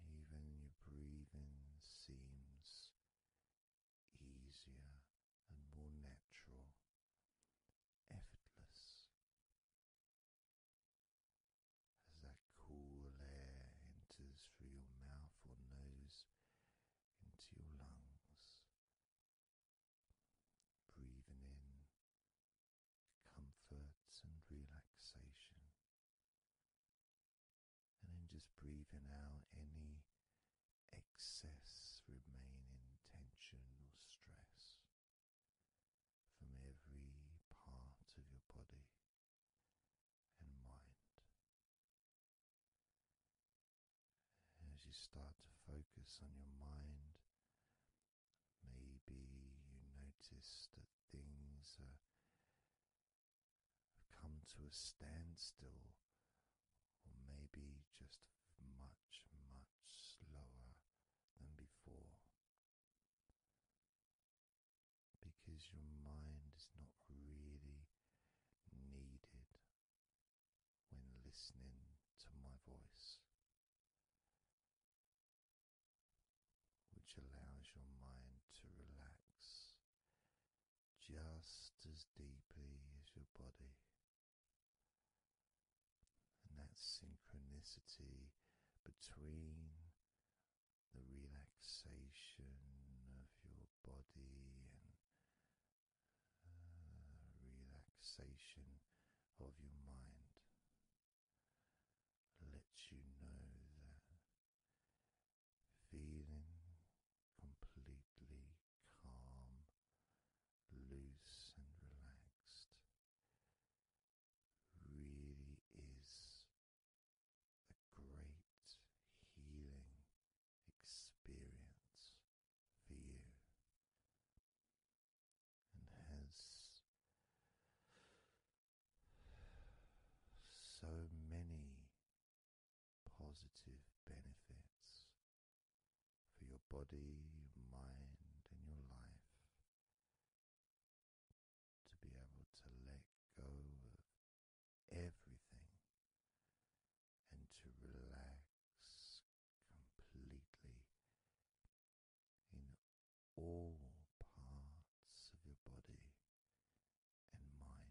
Even your breathing seems easier and more natural, effortless. As that cool air enters through your mouth or nose into your lungs, breathing in comfort and relaxation, and then just breathing out any excess remaining tension or stress from every part of your body and mind. As you start to focus on your mind, maybe you notice that things are have come to a standstill, or maybe just much, much slower than before. Because your mind is not really needed when listening to my voice, which allows your mind to relax just as deeply as your body. And that synchronicity between the relaxation of your body and uh, relaxation of your mind lets you know that feeling completely calm, loose, and relaxed really is a great healing experience for you and has so many positive benefits for your body, mind, and your life. To be able to let go of everything and to relax completely in all parts of your body and mind.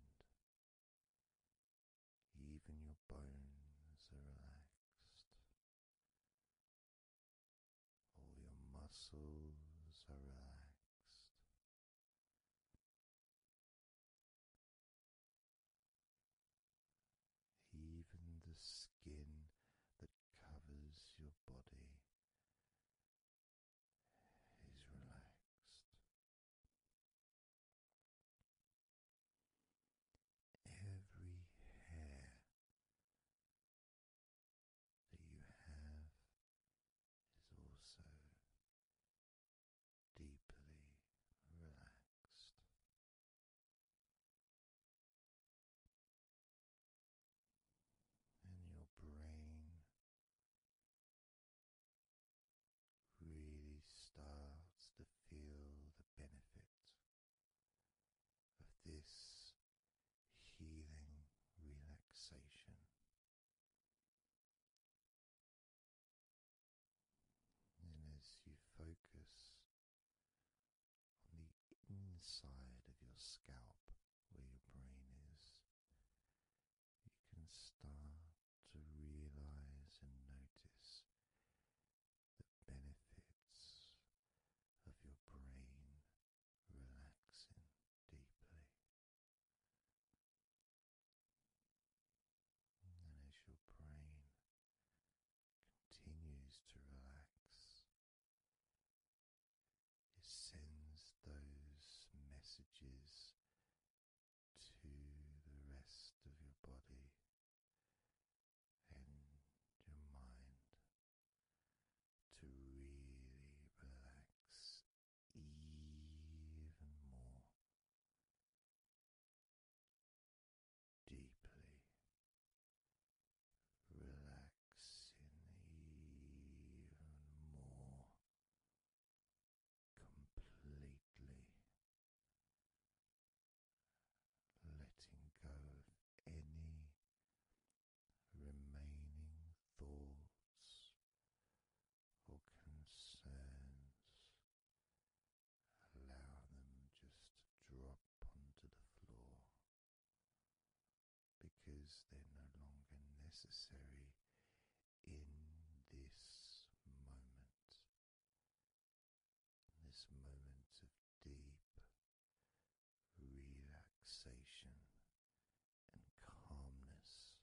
Even your bones are relaxed. All your muscles are relaxed. Even the skin that covers your body is relaxed. Every hair that you have is also deeply relaxed. And your brain really starts to feel the benefit of this healing relaxation. And as you focus on the inside of your scalp where your brain is, you can start to realize and notice the benefits of your brain relaxing deeply. And as your brain continues to relax, it sends those messages to the rest of your body and your mind to really relax even more deeply. Relaxing even more completely, letting go of any remaining thoughts or concerns. Allow them just to drop onto the floor because they're no longer necessary in this moment this moment of deep relaxation and calmness,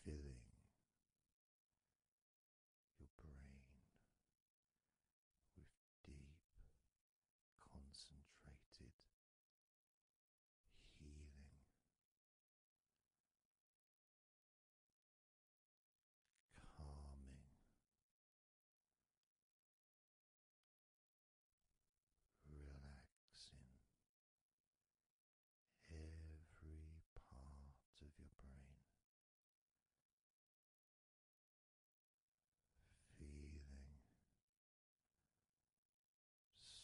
filling your brain with deep, concentrated, healing calming, relaxing every part of your brain. Feeling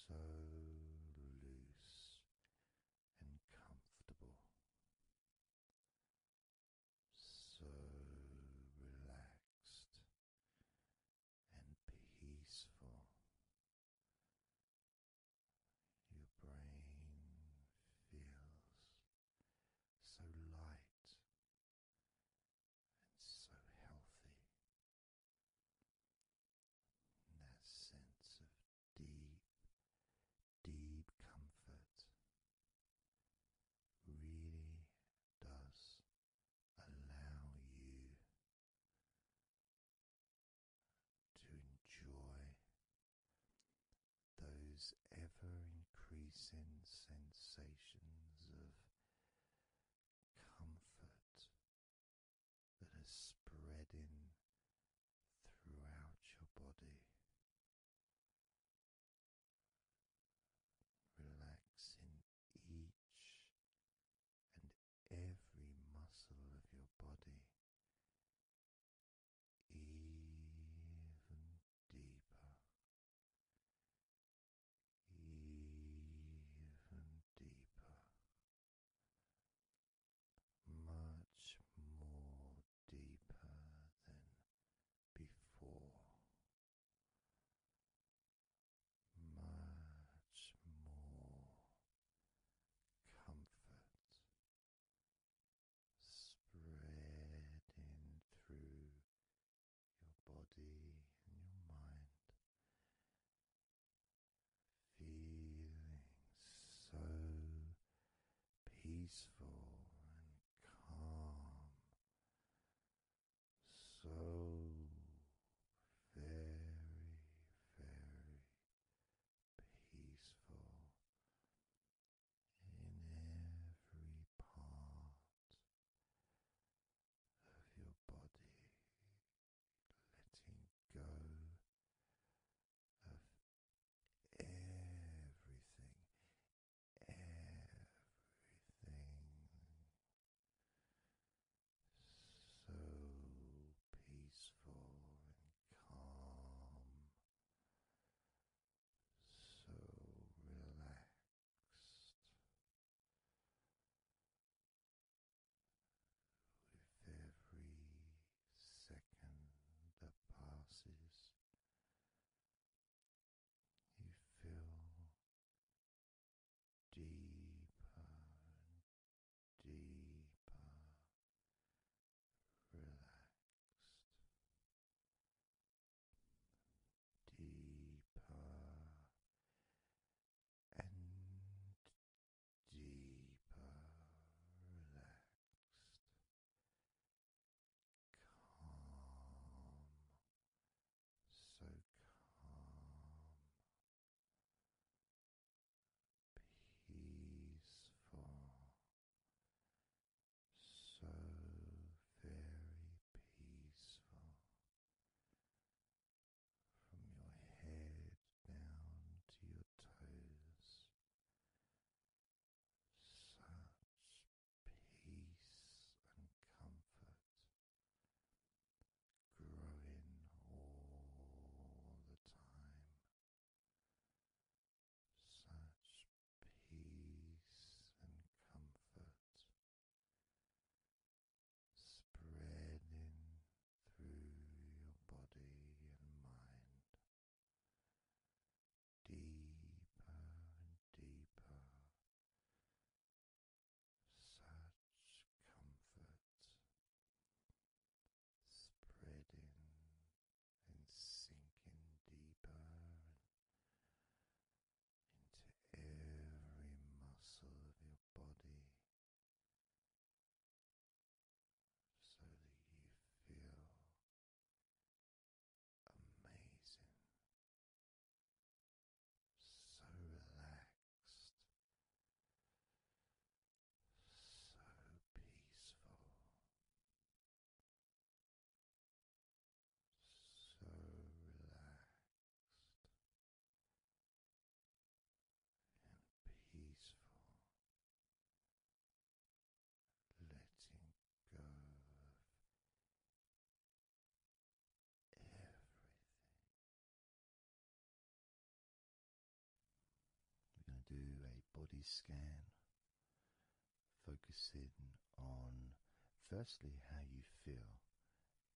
so loose and comfortable. So relaxed and peaceful. Your brain feels so light and so healthy. that sense of deep, deep comfort really does allow you to enjoy those ever increasing sensations of comfort that are spreading throughout your body, relaxing each and every muscle of your body even deeper. Even deeper, much more deeper than before, much more comfort spread through your body and your mind. Feeling so peaceful and calm, so very, very peaceful in every part of your body, letting go of everything, everything so peaceful and calm, so relaxed. With every second that passes, you feel deeper and deeper relaxed, deeper and deeper relaxed so calm, peaceful, so very peaceful. From your head down to your toes, such peace and comfort growing all the time, such peace and comfort spreading through your body and mind deeper and deeper. Such comfort spreading and sinking deeper into every muscle of your body. So that you feel amazing, so relaxed, so peaceful. So relaxed and peaceful, letting go of everything. We're going to do a body scan, focusing on firstly how you feel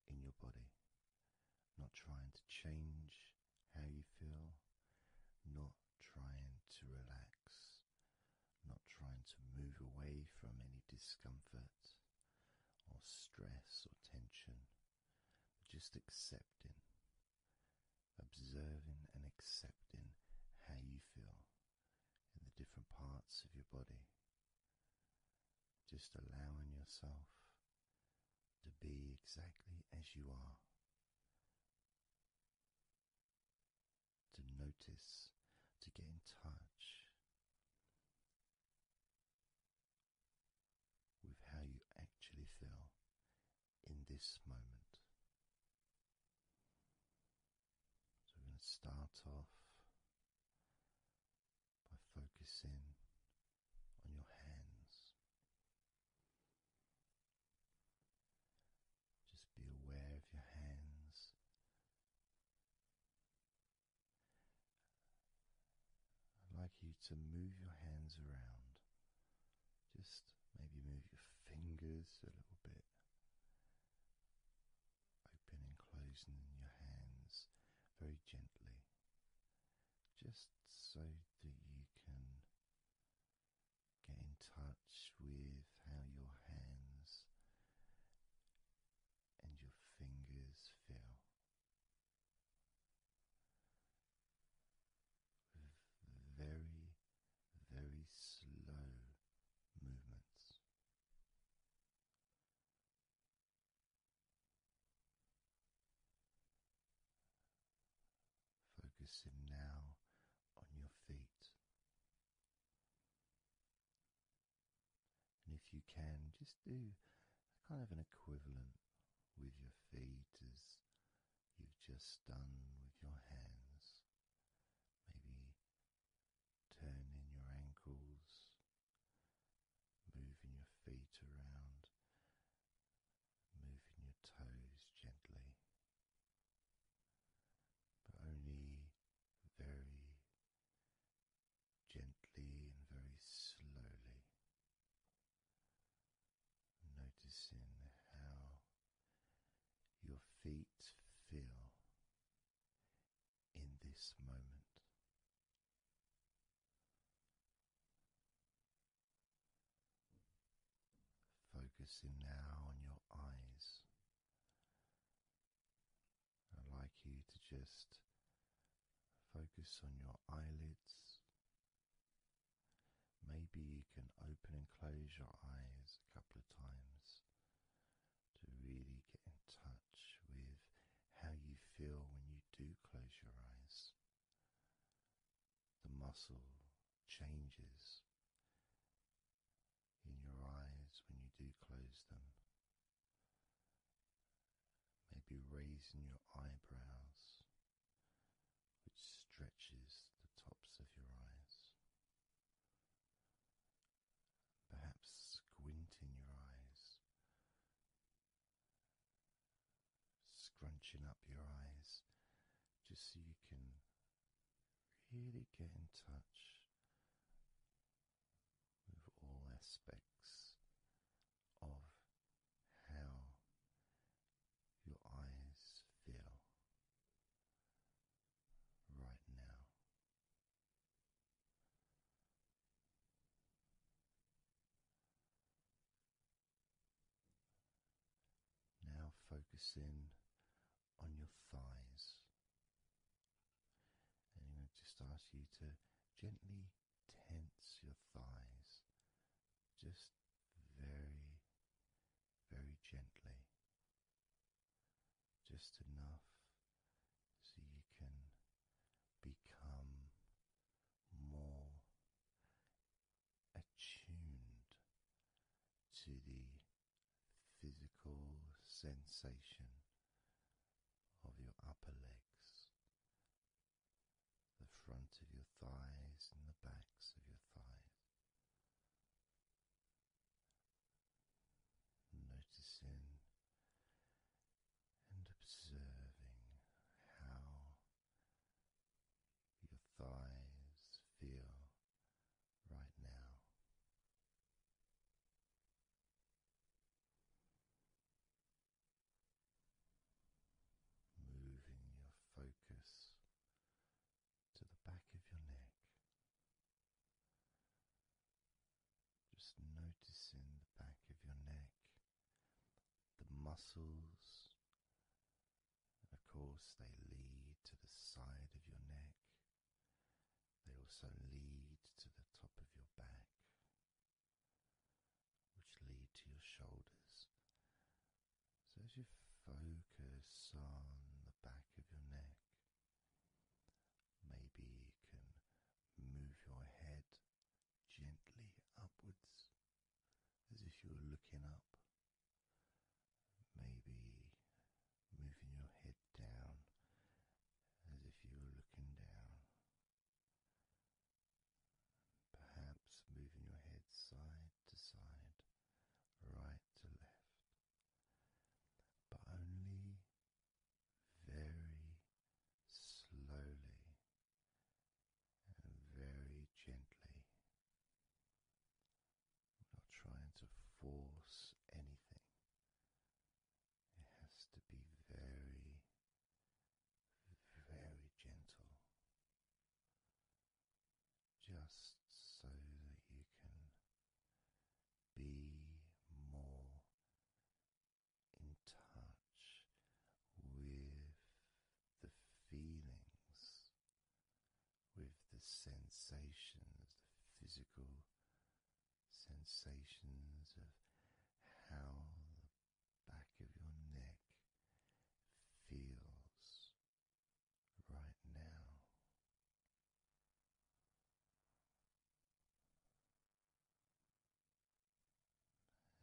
in your body, not trying to change how you feel, not trying to relax not trying to move away from any discomfort or stress or tension, just accepting, observing, and accepting how you feel in the different parts of your body. Just allowing yourself to be exactly as you are to notice, to get in touch with how you actually feel in this moment. So, we're going to start off by focusing on your hands. Just be aware of your hands. I'd like you to move your hands around. Just maybe move your fingers a little bit. opening, and closing your hands very gently, just so that you can Get in touch with how your hands and your fingers feel. very, very slow movements. Focusing now on your feet. And if you can, just do kind of an equivalent with your feet as you've just done with your hands. Maybe turning your ankles, moving your feet around, moving your toes gently but only very gently and very slowly, noticing how your feet feel in this moment. Focusing now on your eyes, I'd like you to just focus on your eyelids. Maybe you can open and close your eyes a couple of times to really get in touch with how you feel when you do close your eyes. The muscle changes in your eyes when you do close them. Maybe raising your eyebrows, which stretches the tops of your eyes. Perhaps squinting your eyes, scrunching up your eyes just so you can really get in touch with all aspects of how your eyes feel right now. Now, focus on your thighs. And I'm going to just ask you to gently tense your thighs, just very, very gently, just enough so you can become more attuned to the physical sensation of your upper legs, the front of your thighs, and the backs of your thighs. Noticing and observing how your thighs feel right now. Moving your focus to the back of your neck, just noticing the back of your neck, the muscles, of course, they lead to the side of your neck. They also lead to the top of your back, which lead to your shoulders. So as you focus on the back of your neck, maybe you can move your head gently upwards as if you were looking up. Maybe moving your head down as if you were looking down. Perhaps moving your head side to side, right to left, but only very slowly and very gently not trying to force anything. It has to be very, very gentle. Just so that you can be more in touch with the feelings with the sensations, the physical sensations of how the back of your neck feels right now.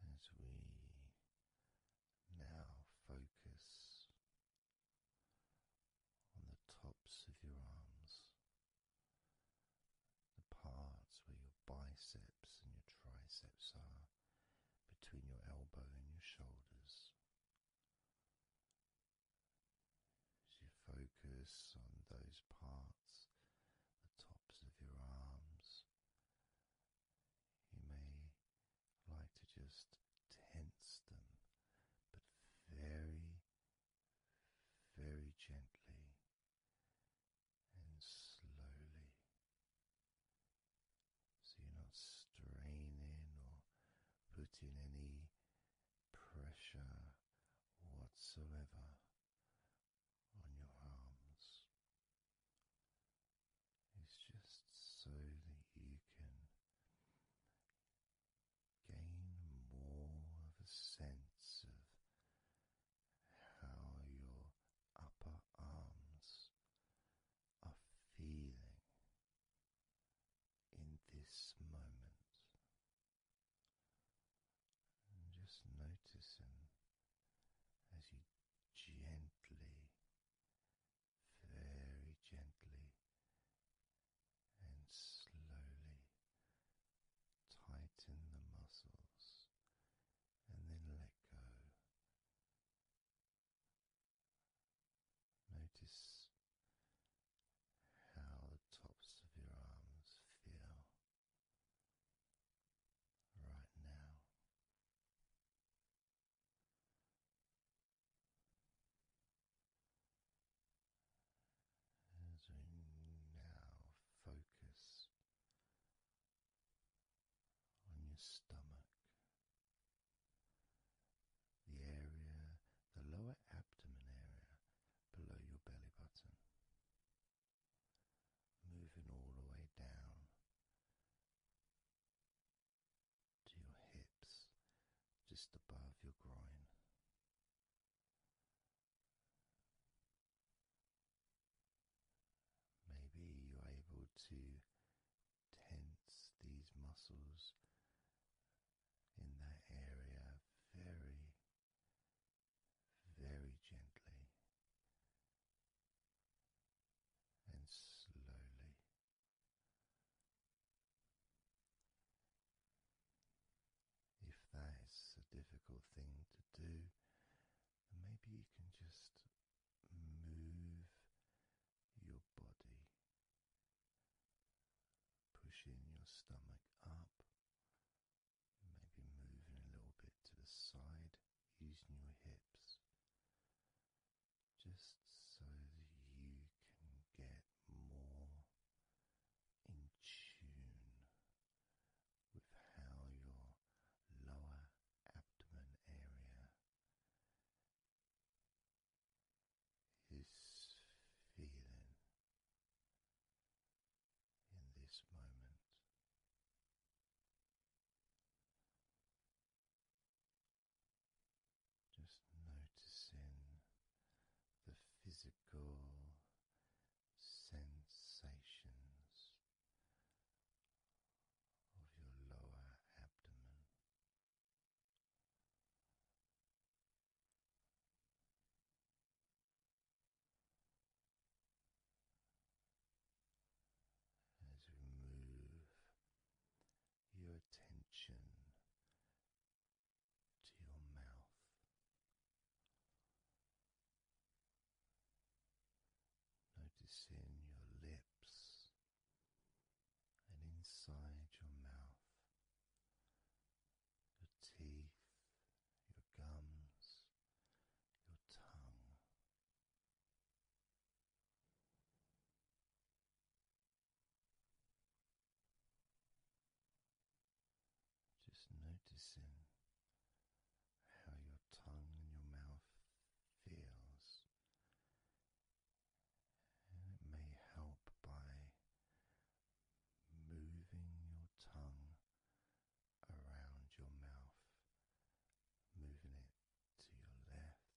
As we now focus on the tops of your arms, the parts where your biceps and your triceps are, between your elbow and your shoulders. As you focus on those parts, the tops of your arms, you may like to just tense them, but very very gently and slowly. So you're not straining or putting any pressure whatsoever on your arms. It's just so that you can gain more of a sense of how your upper arms are feeling in this moment. And just noticing as you gently, very gently and slowly tighten the muscles and then let go. Notice how the tops of your arms feel right now. As we now focus on your stomach, the area, the lower abdomen area below your belly button, moving all the way down to your hips just above your groin. Maybe you're able to tense these muscles in that area very, very gently and slowly. If that is a difficult thing to do, maybe you can just move your body, pushing your stomach up, maybe moving a little bit to the side, using your hips. Just so that you can get more in tune with how your lower abdomen area is feeling in this moment. Just noticing the physical sensations of your lower abdomen. As we move your attention to your mouth. Noticing your lips and inside your mouth, your teeth, your gums, your tongue. Just noticing how your tongue and your mouth feels, and it may help by moving your tongue around your mouth, moving it to your left,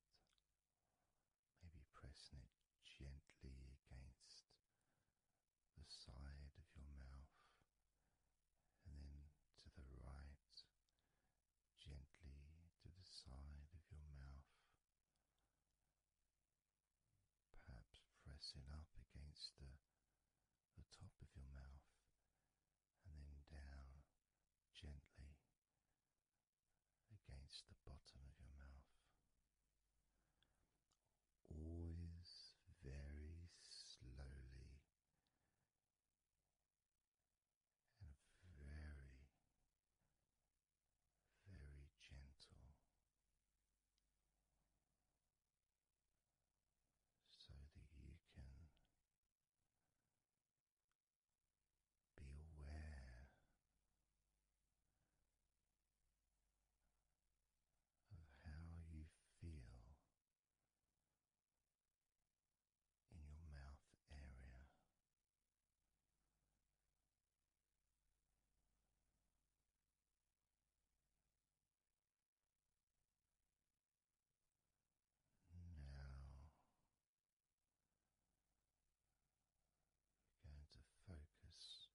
maybe pressing it gently against the side of your mouth, and then to the right, gently to the side of your mouth, perhaps pressing up against the, the top of your mouth, and then down gently against the bottom of your mouth always very slowly and very, very gentle. So that you can be aware of how you feel in your mouth area. Now you're going to focus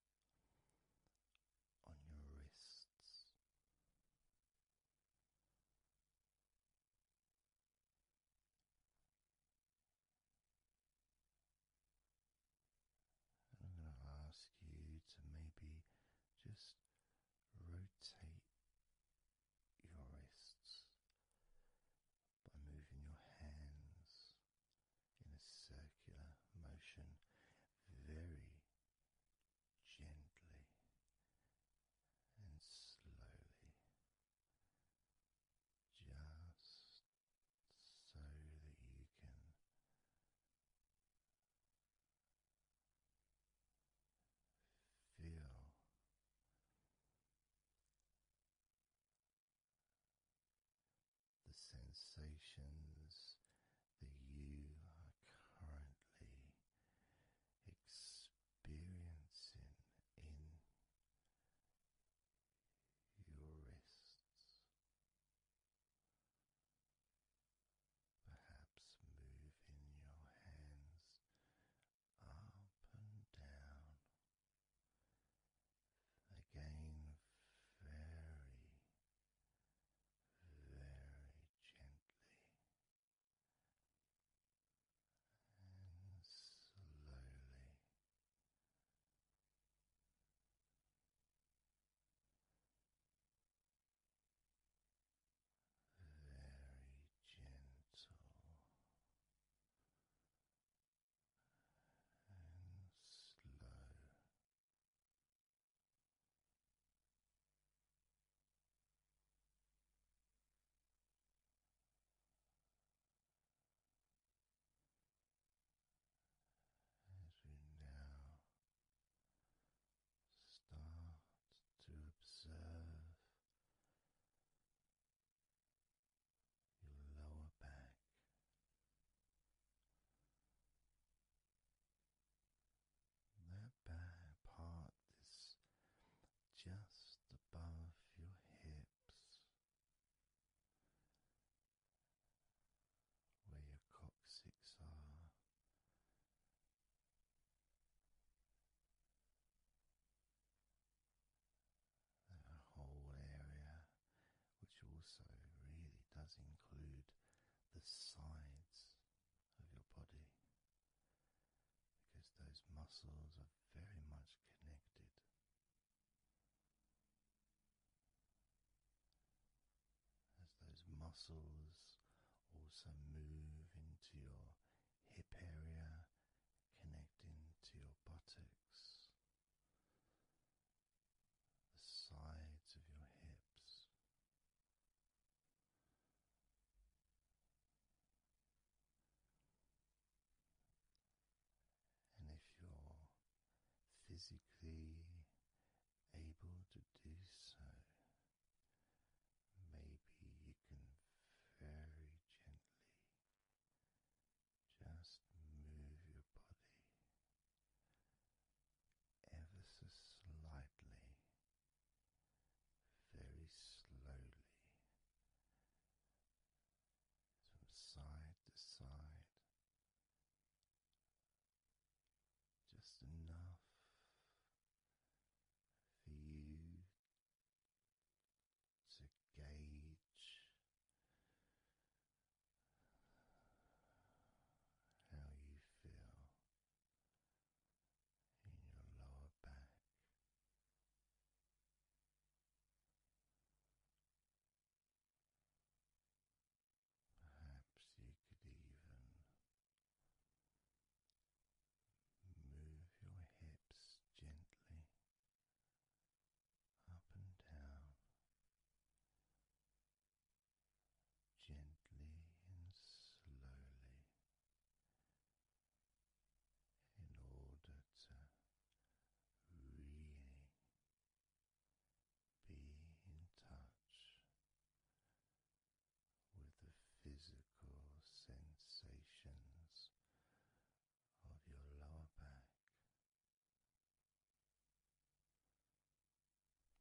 on your wrists. I'm going to ask you to maybe just rotate your wrists by moving your hands in a circular motion very gently and slowly, just so that you can. Feel the sensations that you are currently experiencing in your wrists. Perhaps moving your hands up and down. Again, very and slowly. Very gentle and slow to observe your lower back that back part is just above your hips, where your coccyx are. That whole area which also really does include the sides of your body because those muscles are very much connected. As those muscles also move into your hip area, connecting to your buttocks, the sides of your hips. And if you're physically able to do so, maybe you can very gently just move your body ever so slightly, very slowly, from side to side, just enough for you to gauge how you feel in your lower back. Perhaps you could even move your hips gently up and down gently and slowly in order to really be in touch with the physical sensations of your lower back. As we now move your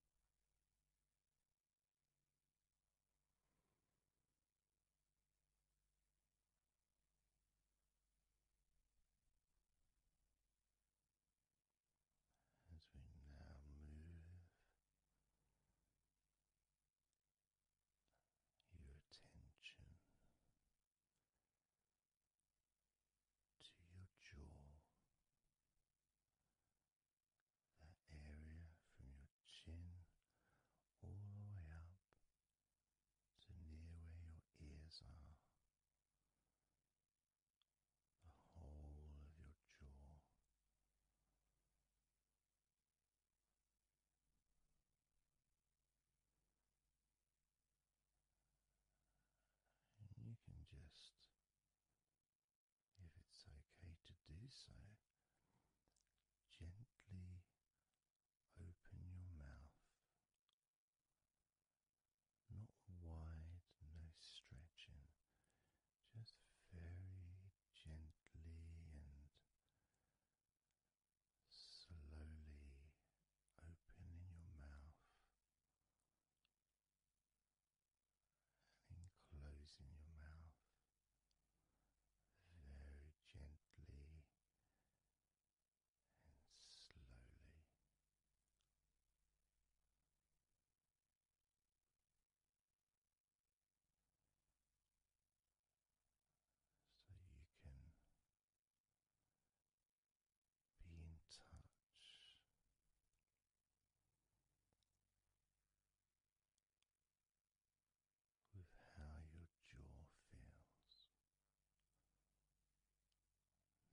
attention to your jaw that area from your chin all the way up to near where your ears are. The whole of your jaw. And you can just if it's okay to do so, gently open your mouth. Not wide, no stretching, just very gently and slowly opening your mouth and closing your mouth very gently and slowly. So you can be in touch with how your jaw feels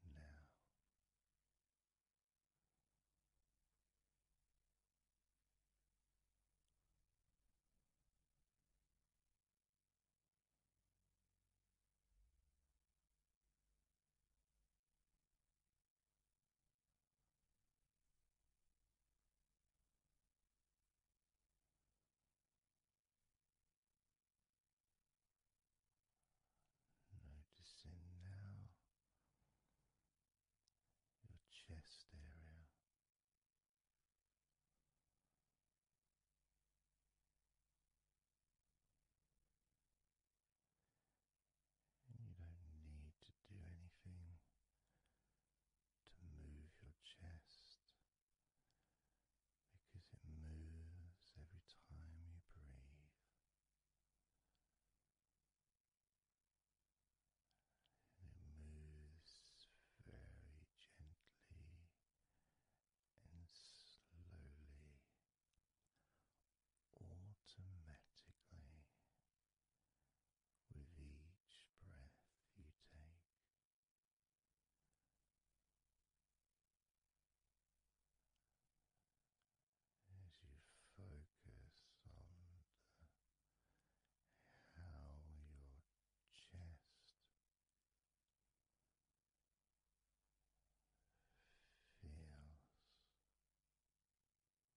now. Noticing now your chest area and you don't need to do anything to move your chest because it moves every time you breathe. it moves very gently and slowly, automatically with each breath you take. As you focus on how your chest feels when you breathe.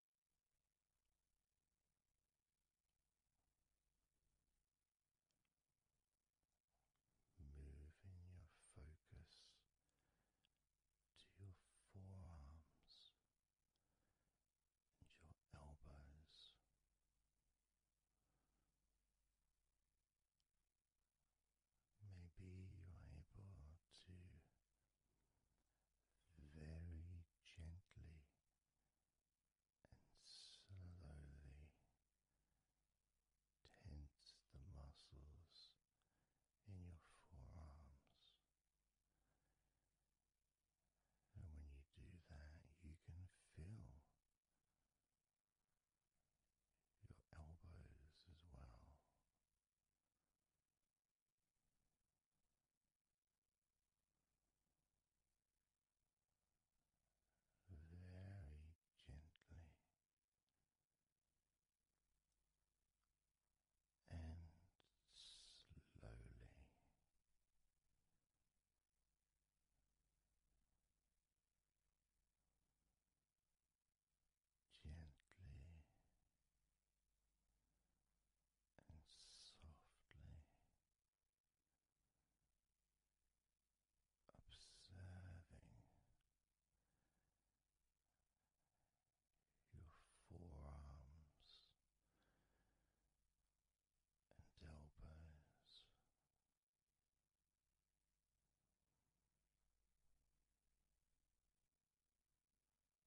Moving your focus to your forearms and your elbows. Maybe you're able to very gently and slowly tense the muscles in your forearms. And when you do that, you can feel your elbows as well very gently and slowly. Gently and softly observing your forearms and elbows.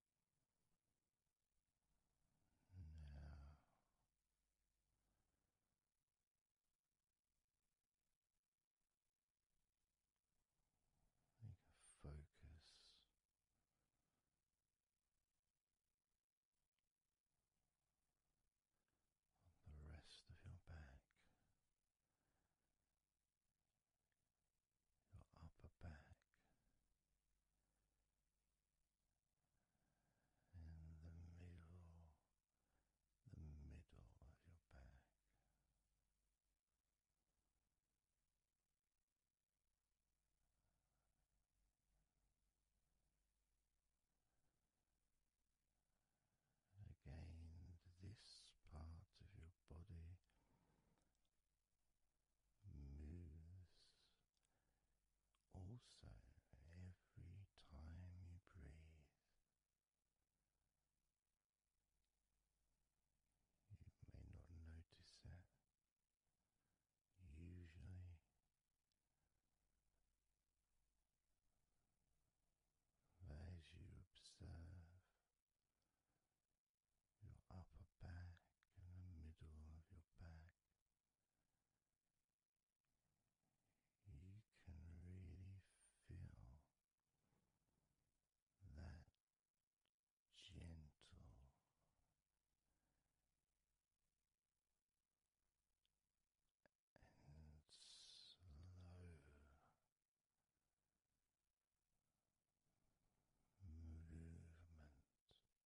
Make a focus on the rest of your back your upper back and the middle, the middle of your back. Again, this part of your body moves. Also, every time you breathe, you may not notice it. Usually, as you observe your upper back and the middle of your back. You can really feel that gentle. And slow movement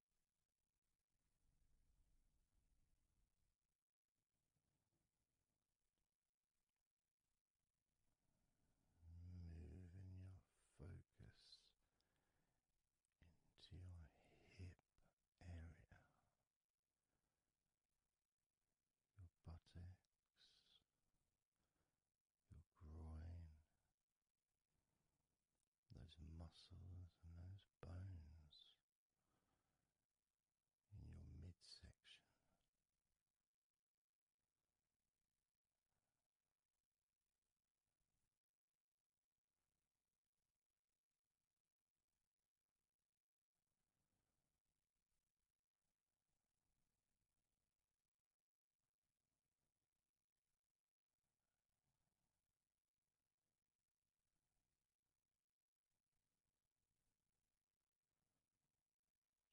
Moving your focus into your hip area, your buttocks, your groin, those muscles and those bones in your midsection.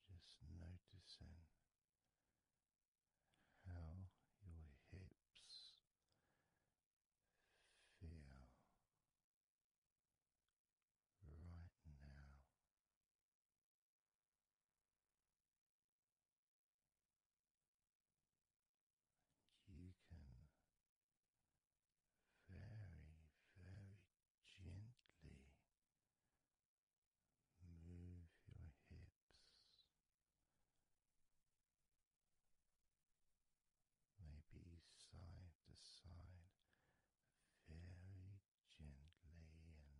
Just noticing how your hips feel right now. You can very, very gently move your hips, maybe side to side, very gently and slowly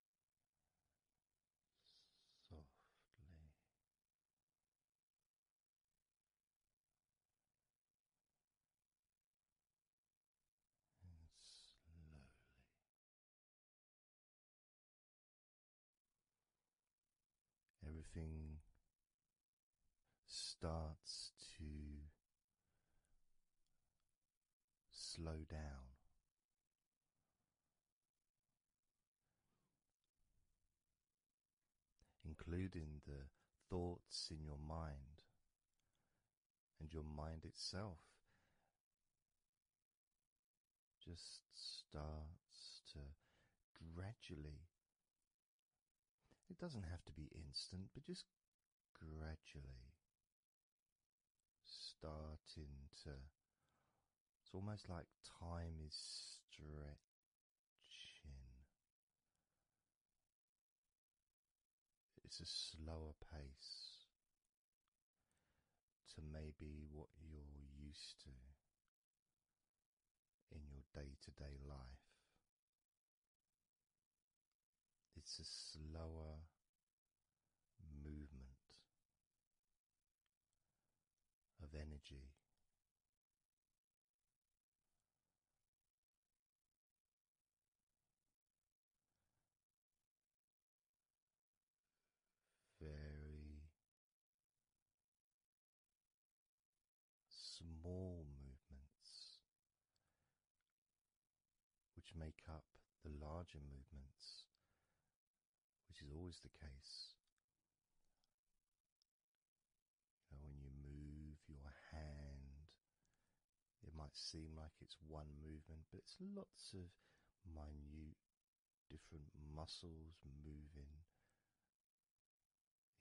softly. And slowly, everything starts to slow down including the thoughts in your mind and your mind itself just starts to gradually, it doesn't have to be instant, but just gradually starting to it's almost like time is stretching. It's a slower pace to maybe what you're used to in your day to day life. It's a slower movement of energy. Very small movements, which make up the larger movements which is always the case. when you move your hand, it might seem like it's one movement, but it's lots of minute different muscles moving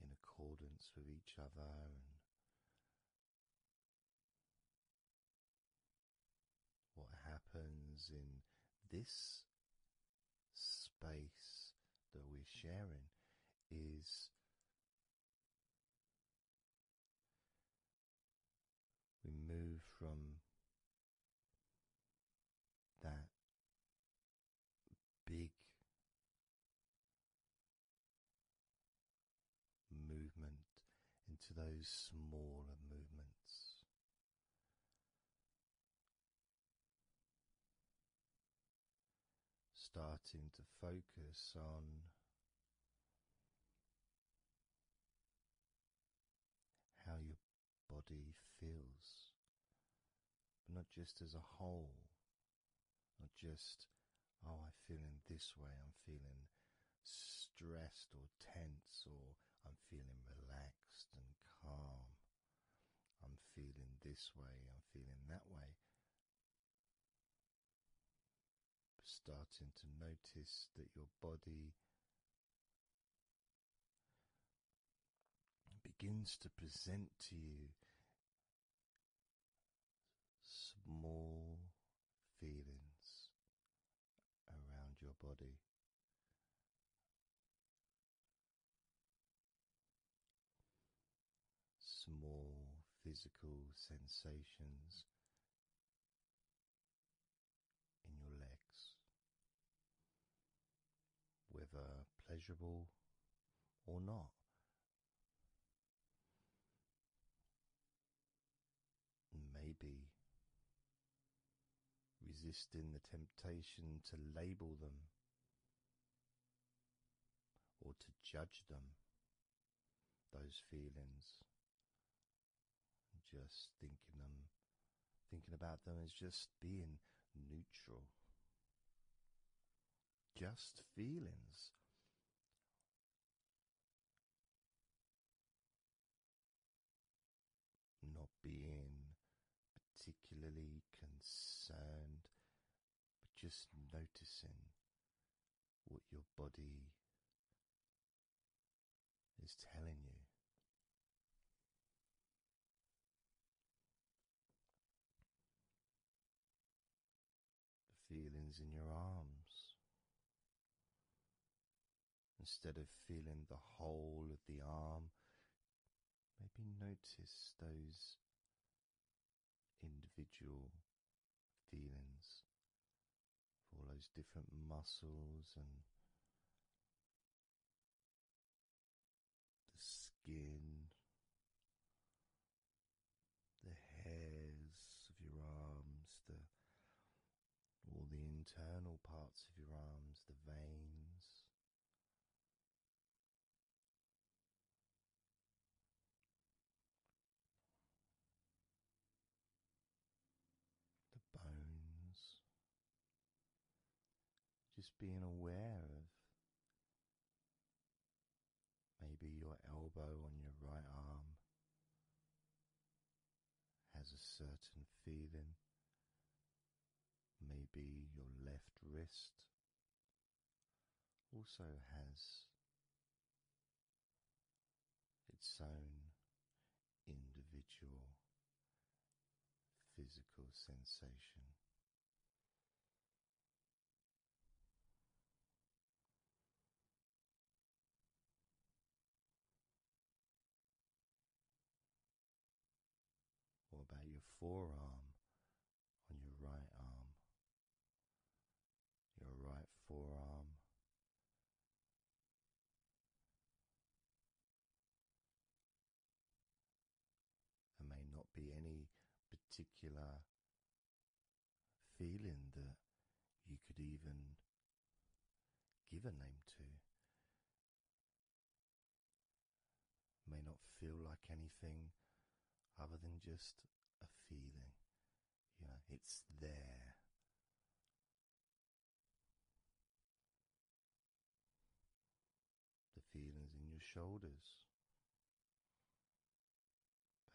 in accordance with each other what happens in this space that we're sharing is we move from that big movement into those smaller movements. Starting to focus on how your body feels, not just as a whole, not just, oh, I'm feeling this way, I'm feeling stressed or tense or I'm feeling relaxed and calm. I'm feeling this way, I'm feeling that way. Starting to notice that your body begins to present to you small feelings around your body. Small physical sensations in your legs, whether pleasurable or not. Maybe resisting the temptation to label them or to judge them, those feelings. Just thinking them, thinking about them as just being neutral. Just feelings not being particularly concerned, but just noticing what your body is telling you. The feelings in your arms, Instead of feeling the whole of the arm, maybe notice those individual feelings all those different muscles and the skin, the hairs of your arms, the all the internal parts of your arms, the veins. The bones, just being aware of maybe your elbow on your right arm, has a certain feeling. Maybe your left wrist also has its own individual physical sensation. Or about your forearm on your right arm, your right forearm, there may not be any particular feeling that you could even give a name to may not feel like anything other than just a feeling. You know, it's there. The feelings in your shoulders.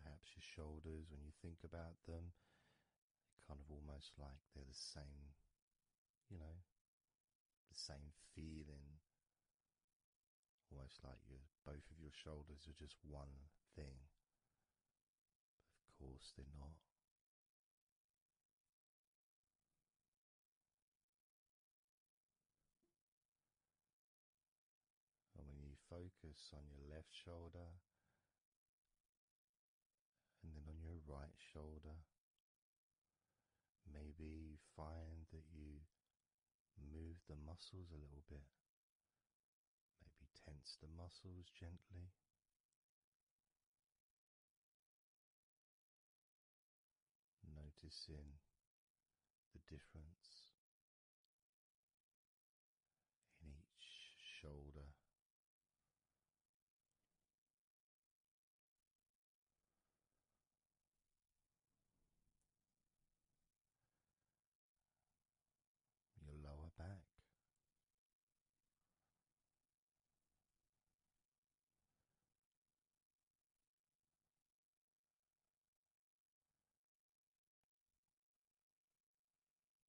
Perhaps your shoulders, when you think about them, kind of almost like they're the same, you know, the same feeling, almost like you both of your shoulders are just one thing. Of course, they're not. And when you focus on your left shoulder and then on your right shoulder, Maybe find that you move the muscles a little bit, maybe tense the muscles gently. Noticing the difference in each shoulder, your lower back.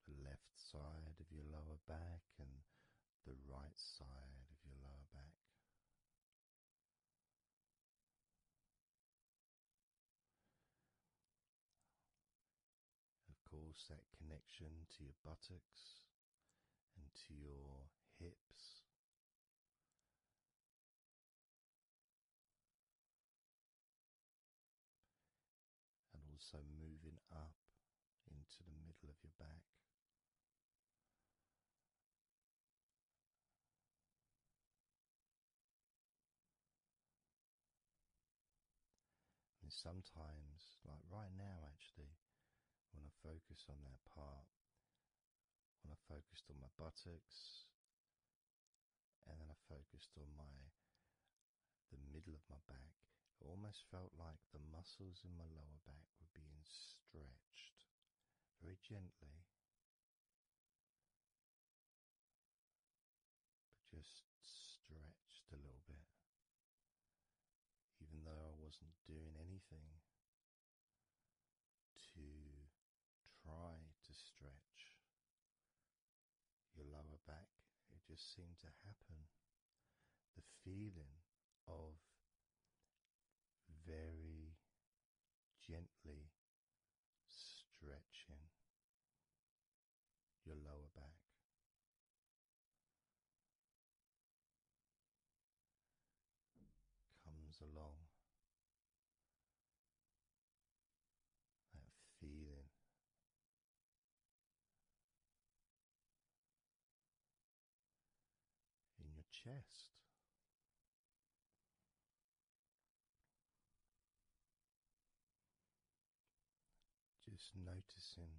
The left side of your lower back and the right side of your lower back. Of course, that connection to your buttocks and to your hips. And also moving up into the middle of your back and sometimes, like right now, actually, when I focused on that part, when I focused on my buttocks, and then I focused on my the middle of my back, it almost felt like the muscles in my lower back were being stretched very gently, just stretched a little bit, even though I wasn't doing anything to try to stretch your lower back. It just seemed to happen. The feeling of very gently stretching your lower back. Comes along that feeling in your chest. Just noticing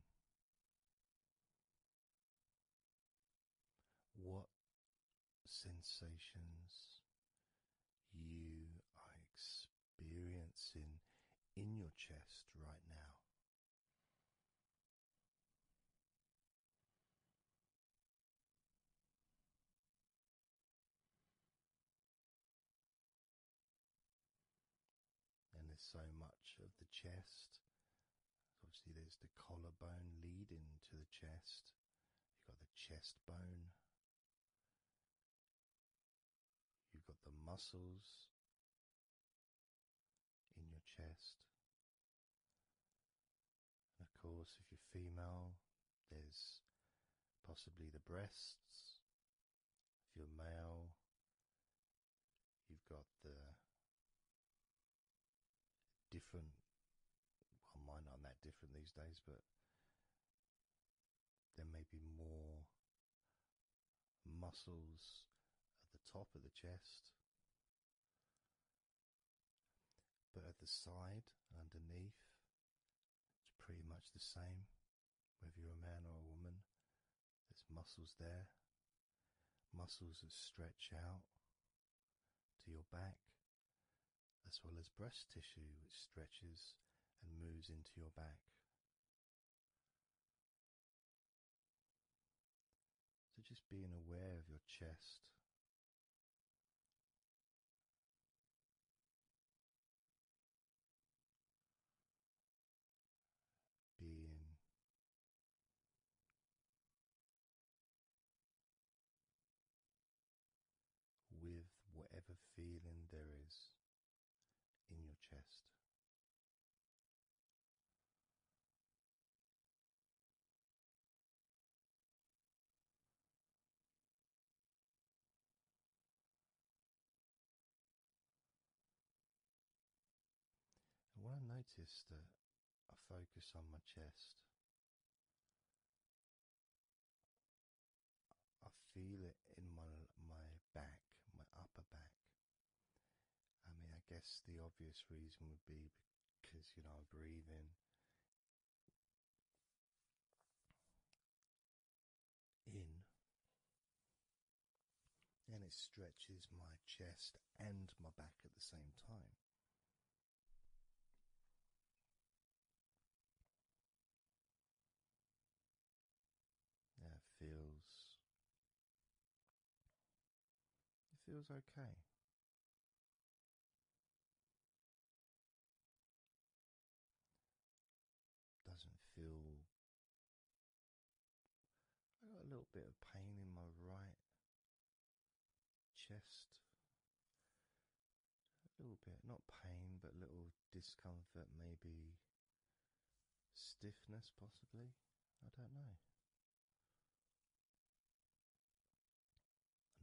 what sensations you are experiencing in your chest right now. And there's so much of the chest. Obviously, there's the collarbone leading to the chest. You've got the chest bone. You've got the muscles in your chest of course, if you're female, there's possibly the breasts. If you're male, you've got the different, well, mine aren't that different these days, but there may be more muscles at the top of the chest. But at the side, underneath, it's pretty much the same. Whether you're a man or a woman, there's muscles there, muscles that stretch out to your back, as well as breast tissue which stretches and moves into your back. So just being aware of your chest. Being with whatever feeling there is in your chest when I notice that I focus on my chest, I feel it in my my back, my upper back. I mean, I guess the obvious reason would be because you know breathing in and it stretches my chest and my back at the same time. That feels it feels okay. Doesn't feel. I got a little bit of pain in my right chest. A little bit, not pain, but a little discomfort, maybe stiffness, possibly. I don't know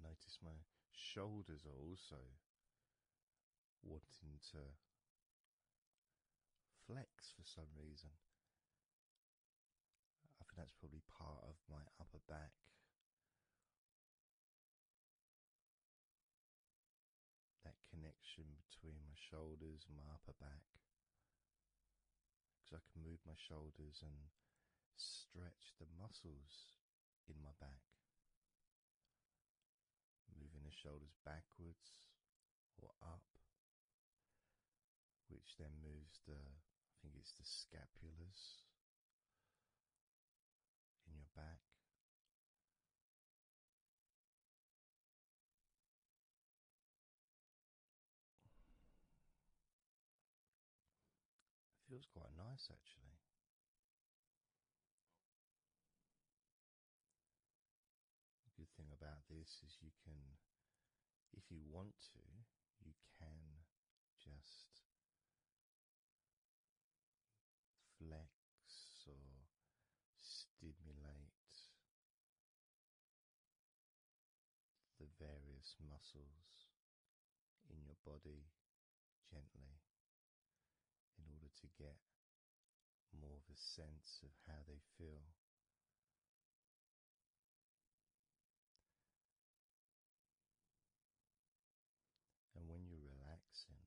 notice my shoulders are also wanting to flex for some reason. I think that's probably part of my upper back. That connection between my shoulders my upper back because I can move my shoulders and stretch the muscles in my back. Moving the shoulders backwards or up, which then moves the, I think it's the scapulars in your back. It feels quite nice actually. good thing about this is you can, if you want to, you can just flex or stimulate the various muscles in your body gently in order to get more of a sense of how they feel. And when you're relaxing,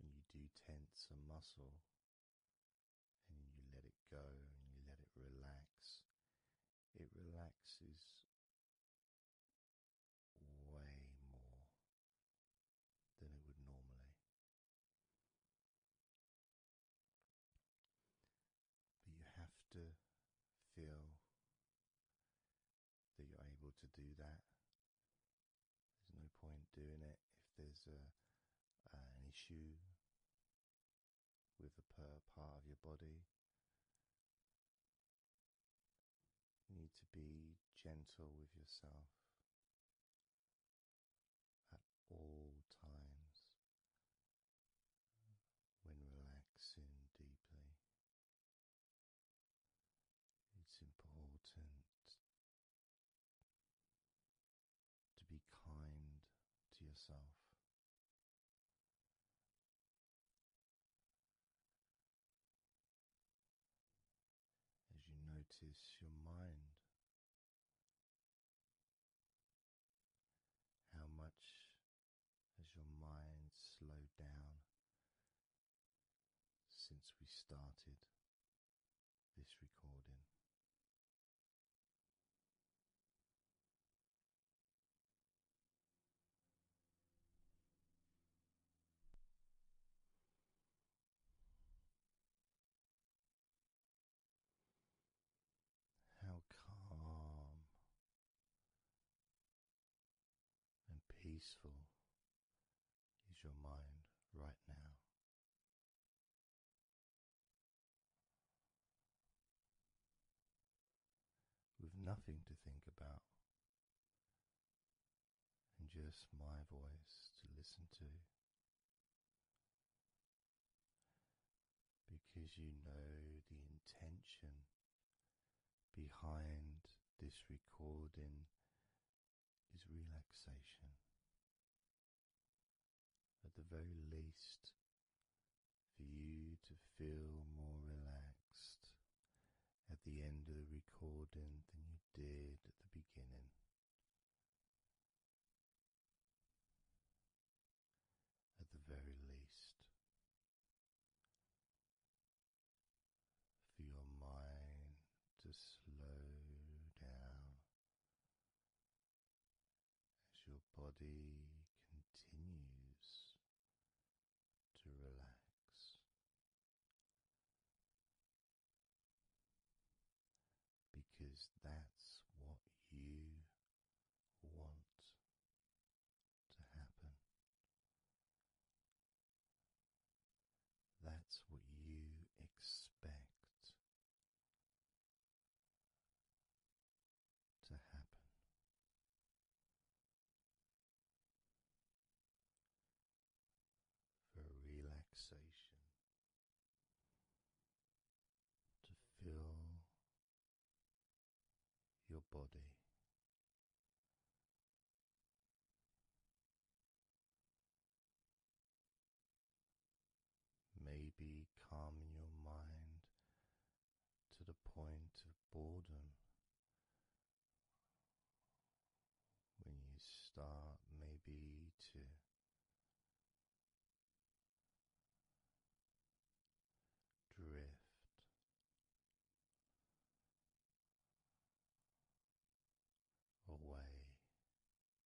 when you do tense a muscle and you let it go and you let it relax, it relaxes way more than it would normally. But you have to feel that you're able to do that. There's no point doing it if there's an issue with the part of your body. You need to be gentle with yourself at all times when relaxing deeply. It's important to be kind to yourself. As you notice your mind, how much has your mind slowed down since we started this recording? How calm and peaceful is your mind right now? with nothing to think about, and just my voice to listen to. Because you know the intention behind this recording is relaxation at the very least, for you to feel more relaxed at the end of the recording than you did at the beginning. At the very least, for your mind to slow down as your body continues to relax. Because that's what you want to happen. That's what you expect to happen. For relaxation to fill your body Maybe calm your mind to the point of boredom when you start, maybe to drift. Away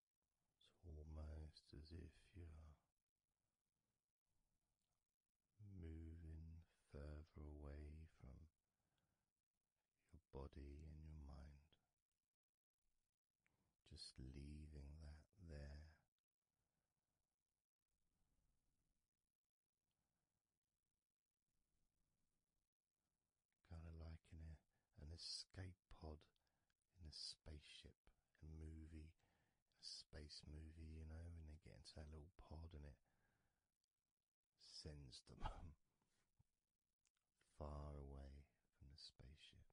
It's almost as if you're moving further away from your body and your mind, just leaving that there. Kind of like an, an escape every pod in a spaceship, a movie, a space movie, you know, and they get into that little pod and it sends them far away from the spaceship.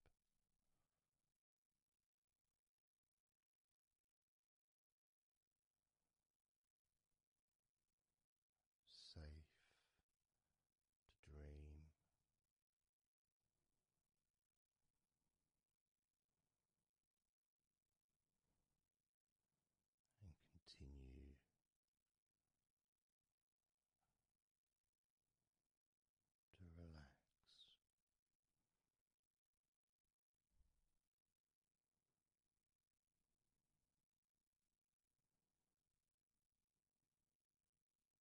Safe to dream and continue. To relax,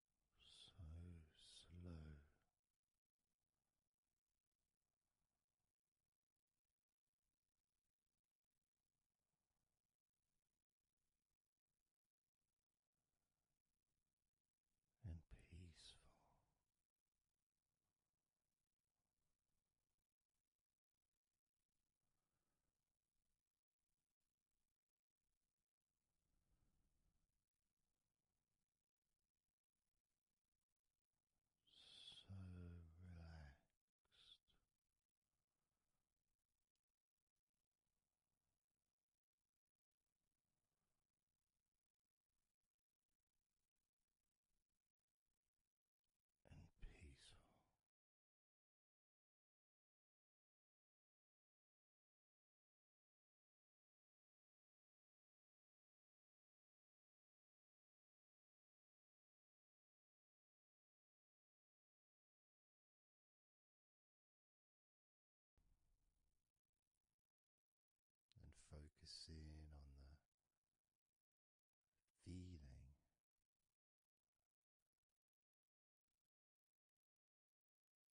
so slow. And peaceful. So relaxed. And peaceful and focusing on the feeling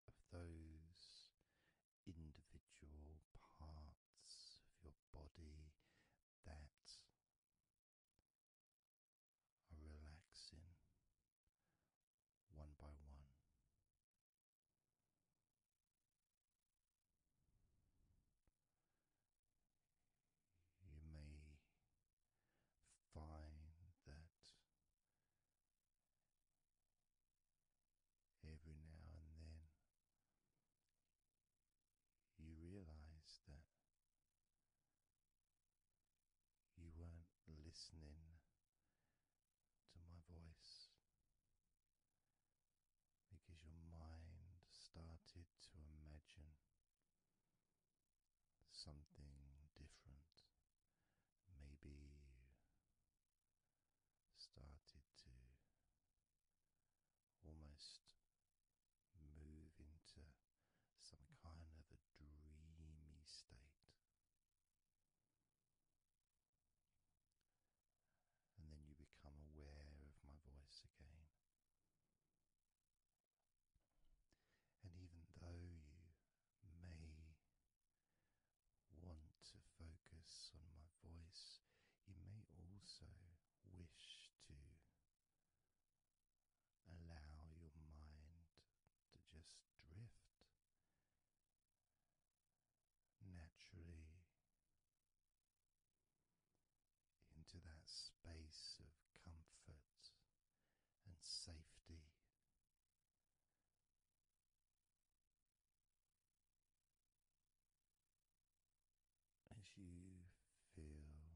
of those individual parts of your body that are relaxing one by one. You may find that Every now and then, you realize that you weren't listening to my voice because your mind started to imagine something different, maybe started to almost move into some kind of a dreamy state. And then you become aware of my voice again. And even though you may want to focus on my voice, you may also wish to allow your mind to just drift naturally into that space of comfort and safety as you feel more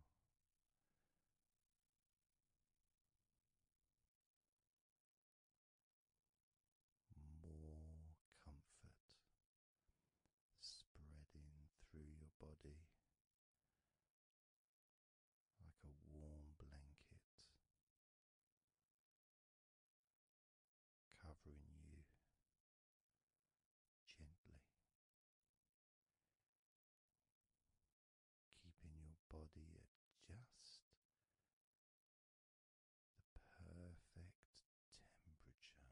comfort spreading through your body like a warm blanket covering you gently, keeping your body at just the perfect temperature.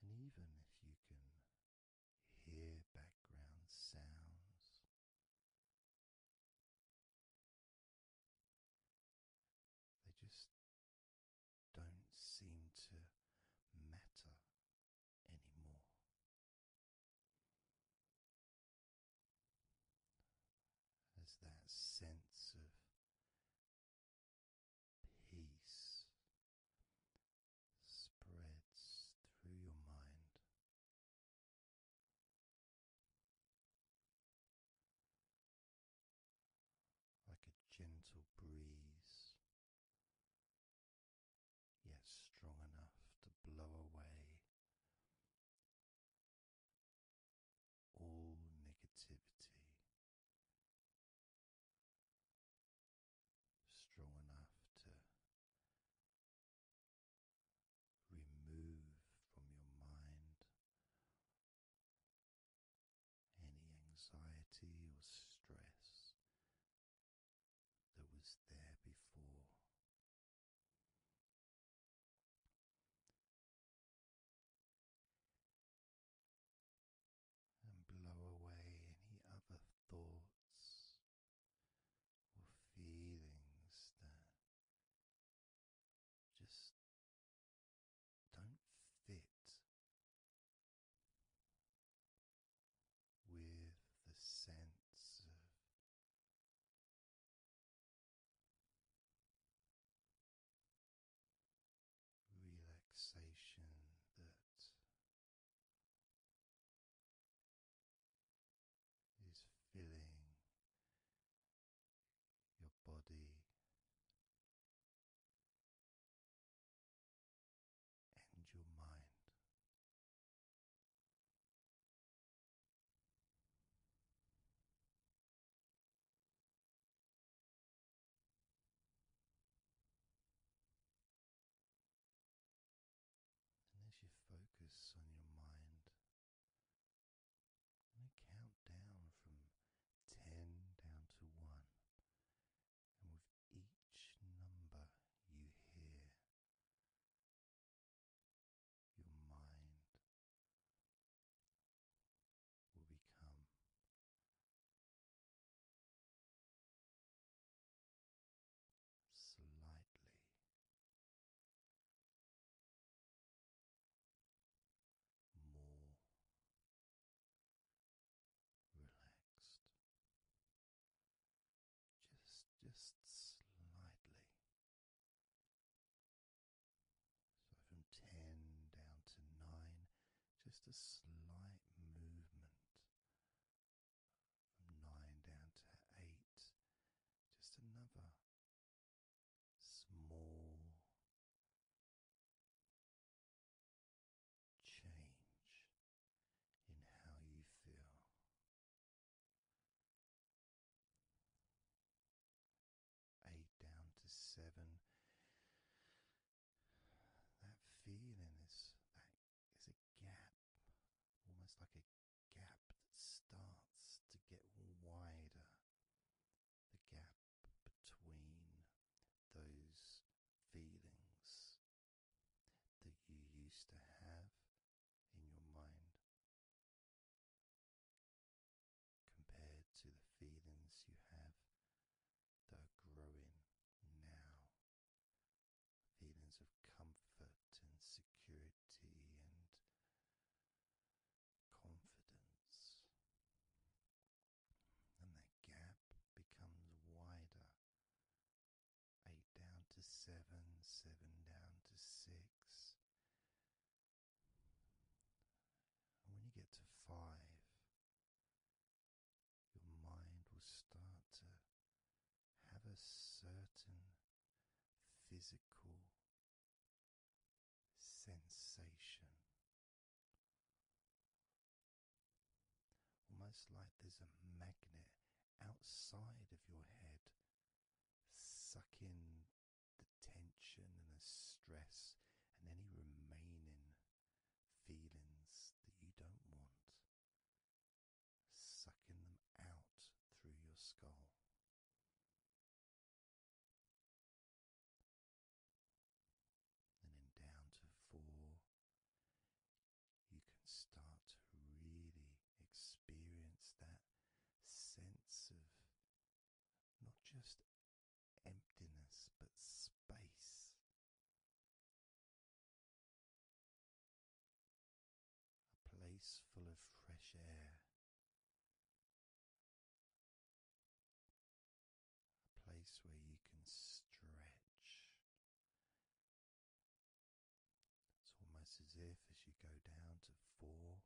And even if you can hear background sounds, they just don't seem to matter anymore. As that sense of peace spreads through your mind. Like a gentle breeze, yet strong enough to blow away all negativity strong enough to remove from your mind any anxiety or stress that was there before and blow away any other thoughts or feelings that just don't fit with the sense of relaxation that is filling your body. And your mind. And as you focus on your mind, i count down from 10 down to 1. And with each number you hear, your mind will become slightly more relaxed just just slightly so from 10 down to 9, just a slight movement. From 9 down to 8, just another small change in how you feel eight down to seven. That feeling is that is a gap, almost like a gap that starts to get wider. The gap between those feelings that you used to have in your mind compared to the feelings you have that are growing now. Feelings of comfort and security and confidence. And that gap becomes wider. Eight down to seven, seven down to six. And when you get to five, your mind will start to have a certain physical sensation. Almost like there's a magnet outside of your head sucking the tension and the stress and any remaining feelings that you don't want, sucking them out through your skull. And then down to four, you can start to really experience that sense of not just emptiness but space. A place full of fresh air. A place where you can stretch. It's almost as if as you go down to four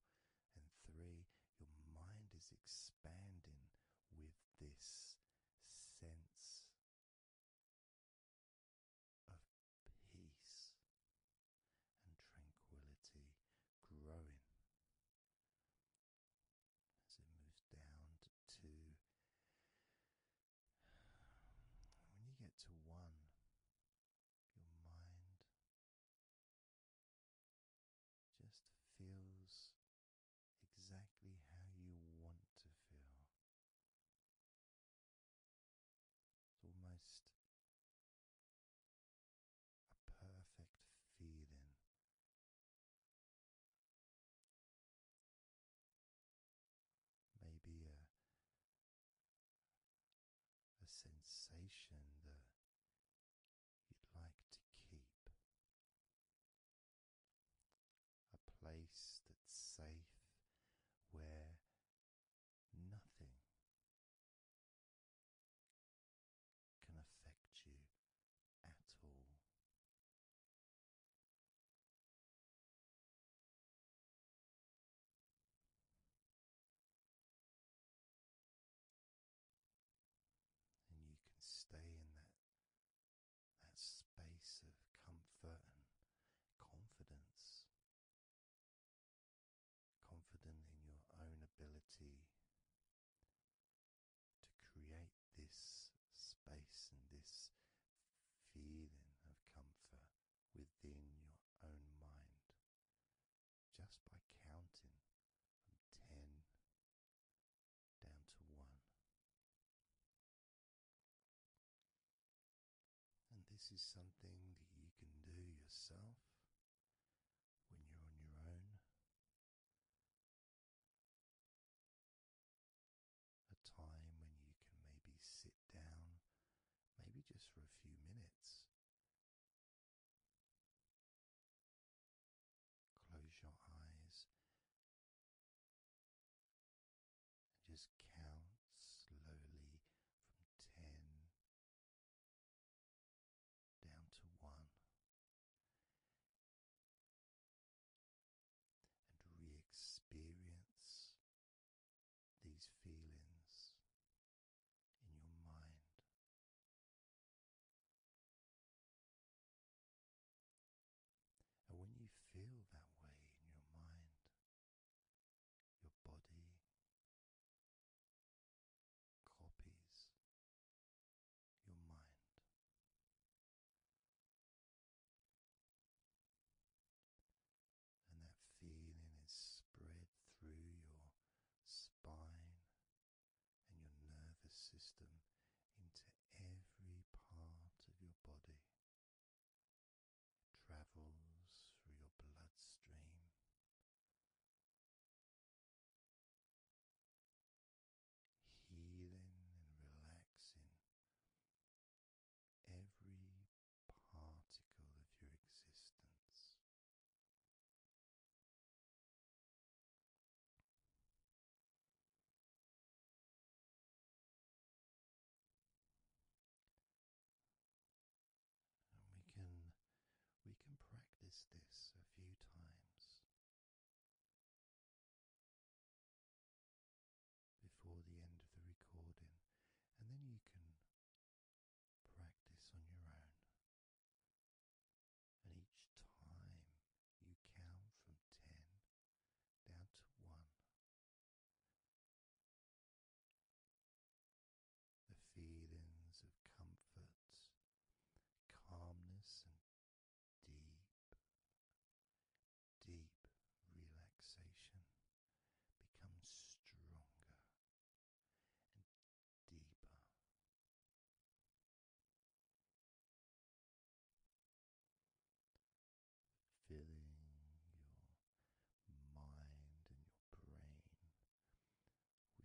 and three, your mind is expanding with this sense of peace and tranquility growing as it moves down to when you get to one, your mind just feels exactly how you want to feel. It's almost a perfect feeling. Maybe a a sensation that you'd like to keep a place that's safe where nothing can affect you at all. And you can stay in that that space of comfort and confidence. Confident in your own ability to create this space and this feeling of comfort within your own mind just by counting from 10 down to one. And this is something that you can do yourself when you're on your own. A time when you can maybe sit down, maybe just for a few minutes, Close your eyes and just count slowly from ten down to one and re experience these feelings in your mind. And when you feel that way in your mind, your body copies your mind. And that feeling is spread through your spine and your nervous system into every part of your body travels through your bloodstream. Healing and relaxing every particle of your existence. And we can we can practice this a few times before the end of the recording, and then you can practice on your own. And each time you count from 10 down to 1. The feelings of comfort, calmness, and deep, deep relaxation becomes stronger and deeper. Filling your mind and your brain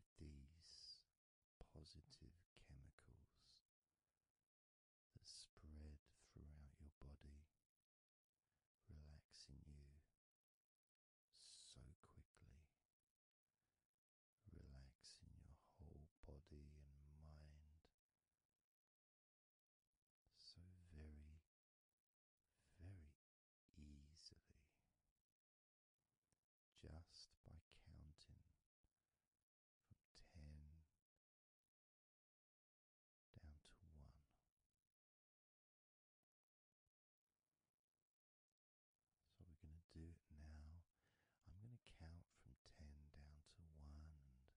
with these positive chemicals that spread throughout your body, relaxing you so quickly, relaxing your whole body and mind so very, very easily just by counting from ten down to one. So we're going to do it now. I'm going to count from ten down to one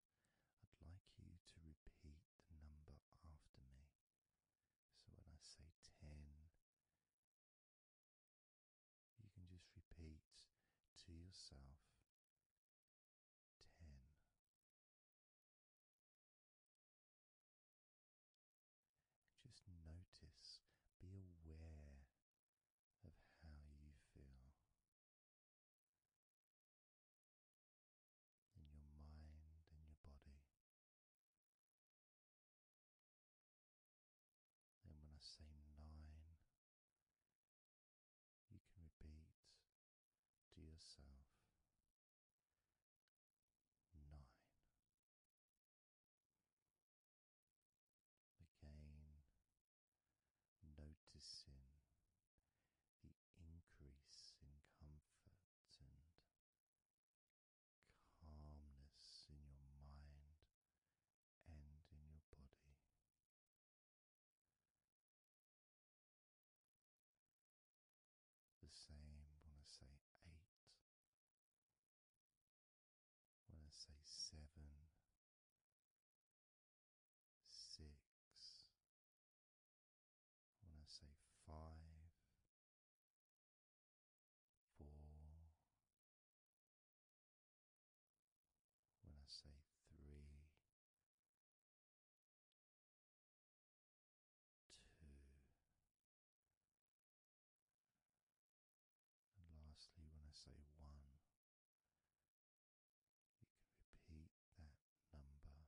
I'd like you to repeat the number after me. So when I say 10, you can just repeat to yourself 10. Just notice, be aware of how you feel in your mind and your body. Then, when I say nine, you can repeat to yourself nine. Again noticing the increase in comfort and calmness in your mind and in your body. The same when I say eight, when I say seven, six, When I say five, four, when I say three, two, and lastly, when I say one. You can repeat that number.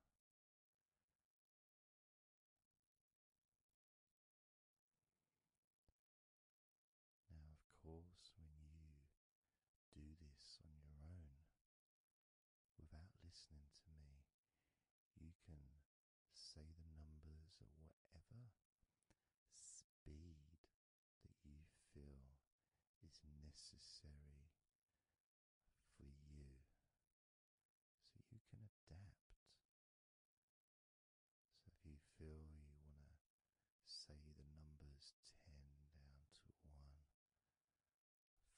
Now, of course, when you do this on your own without listening to me, you can say the numbers at whatever speed that you feel is necessary for you so you can adapt. So if you feel you want to say the numbers 10 down to 1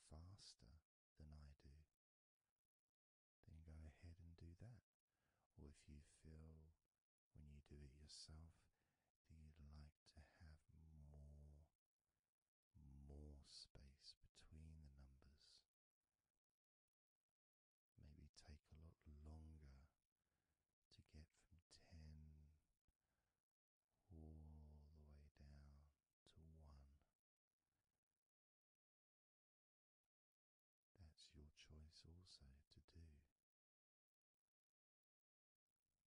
faster than I do, then go ahead and do that. Or if you feel when you do it yourself that you'd like to have more more space between the numbers. Maybe take a lot longer to get from 10 all the way down to 1. That's your choice also to do. So I'm going to count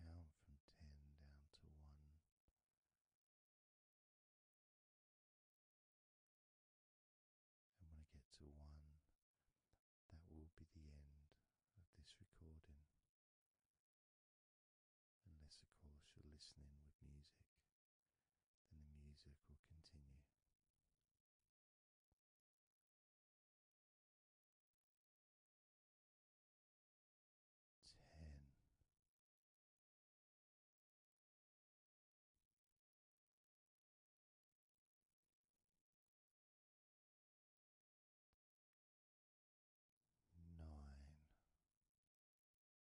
from 10 down to 1. And when I get to 1, that will be the end of this recording. Unless, of course, you're listening with music. And the music will continue. Ten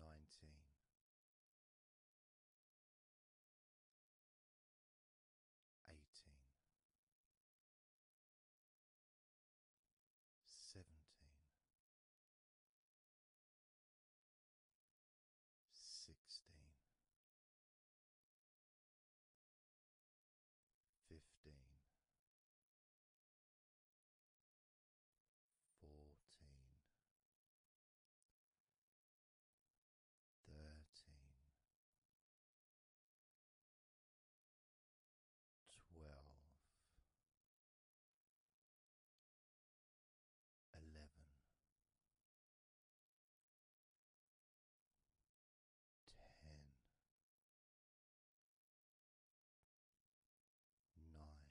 nineteen eighteen seventeen sixteen fifteen fourteen, thirteen, twelve, eleven, ten, nine.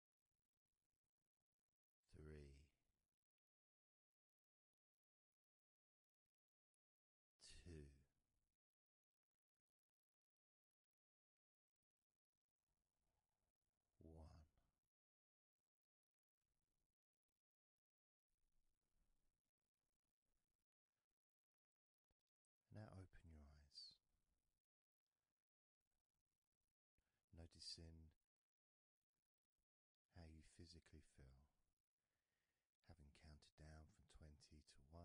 three, two, one. Now open your eyes. Noticing how you physically feel, having counted down from 20 to 1,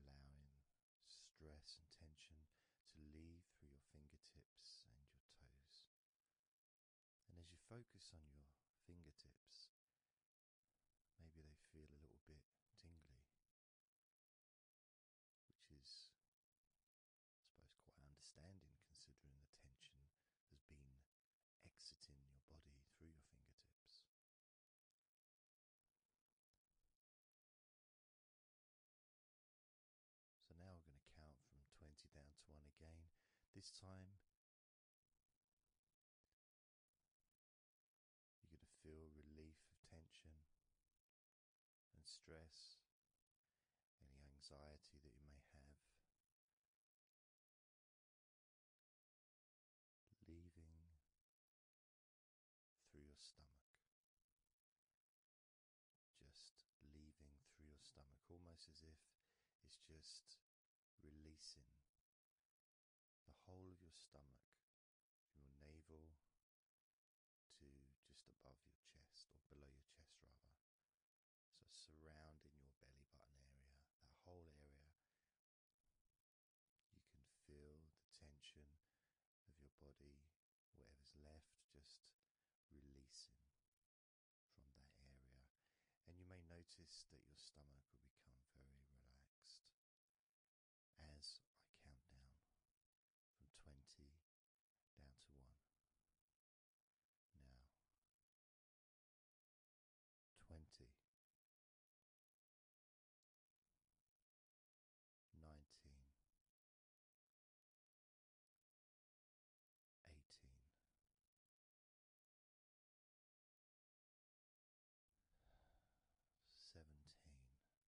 allowing stress and tension to leave through your fingertips and your toes. And as you focus on your fingertips, maybe they feel a little bit tingly which is, I suppose, quite understanding considering the tension has been exiting your body through your fingertips. So now we're going to count from 20 down to 1 again. This time you're going to feel relief of tension and stress, any anxiety that you may have. Leaving through your stomach. Just leaving through your stomach, almost as if it's just releasing the whole of your stomach your navel to just above your chest or below your chest, rather. So, surrounding your belly button area, that whole area, you can feel the tension of your body, whatever's left, just releasing from that area. And you may notice that your stomach will become very relaxed relaxed as I count down from 20 down to 1. Now, 20. 19 18 17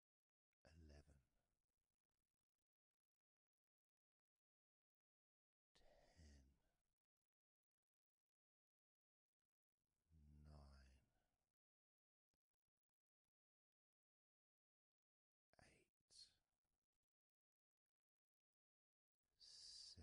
eleven, ten, nine, eight, seven.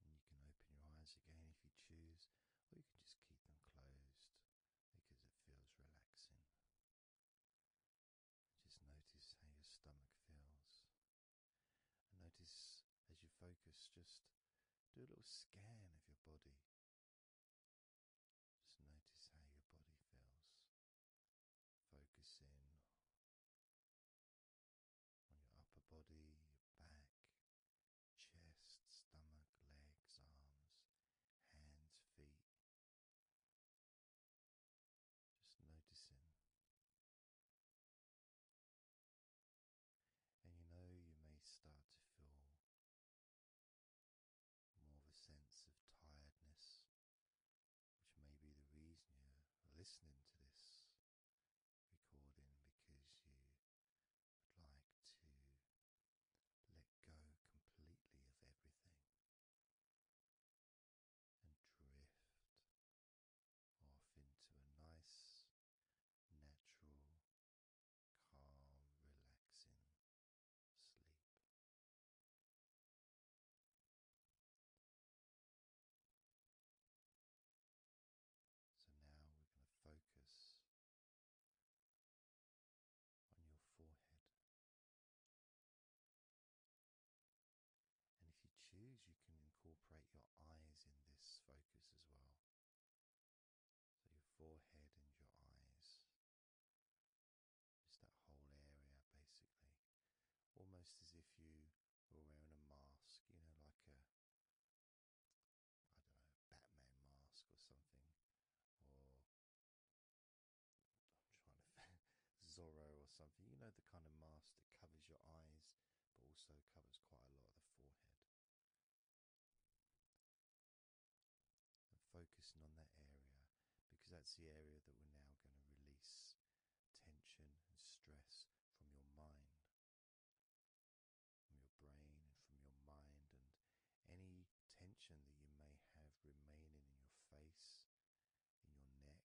you can open your eyes again if you choose, or you can just keep them closed because it feels relaxing. Just notice how your stomach feels. And notice as you focus, just do a little scan of your body. Just notice how your body feels. Focus in on your upper body, back, chest, stomach, legs, arms, hands, feet. Just noticing. And you know, you may start to feel more of a sense of tiredness, which may be the reason you're listening to this recording because you would like to let go completely of everything and drift off into a nice, natural, calm, relaxing sleep. So now we're going to focus on your forehead. And if you choose, you can incorporate your eyes in this focus as well. So your forehead and your eyes. Just that whole area, basically. Almost as if you who are wearing a mask, you know, like a I don't know, Batman mask or something, or I'm trying to Zorro or something, you know, the kind of mask that covers your eyes but also covers quite a lot of the forehead. And focusing on that area because that's the area that we're now going to release tension and stress from your mind from your brain and from your mind, and any tension that you may have remaining in your face, in your neck,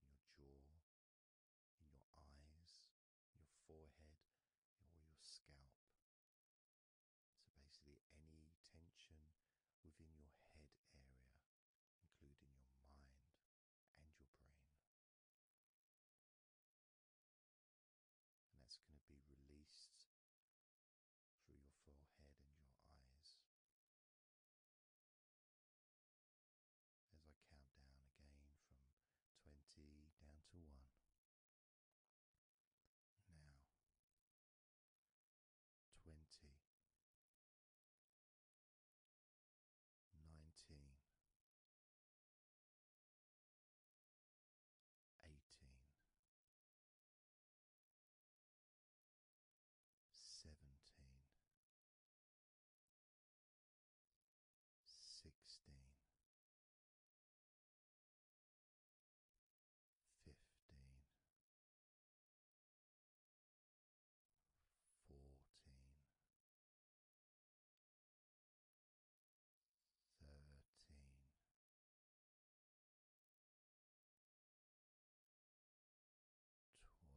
in your jaw, in your eyes, your forehead, or your scalp. So basically, any tension within your head area, including your mind and your brain. And that's going to be released through your forehead and your eyes. As I count down again from 20 down to 1. Now, 20 nineteen, eighteen, seventeen, sixteen. Fifteen, fourteen, thirteen. Twelve, eleven, ten,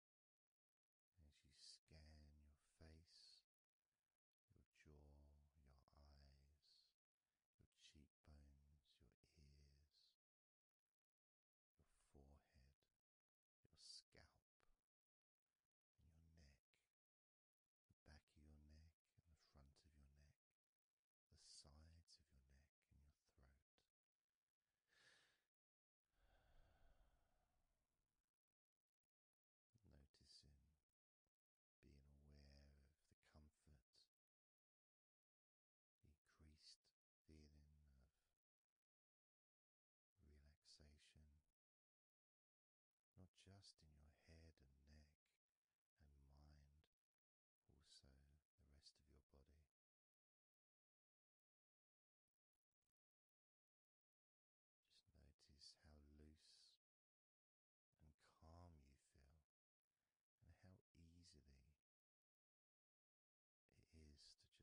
as you scan your face, your jaw, your eyes, your cheekbones, your ears, your forehead, your scalp, your neck, the back of your neck the front of your neck, the sides of your neck and your throat. Noticing, being aware of the comfort, increased feeling of relaxation, not just in your head and neck and mind, also the rest of your body. Just notice how loose and calm you feel, and how easily it is to just let go completely. Let go completely.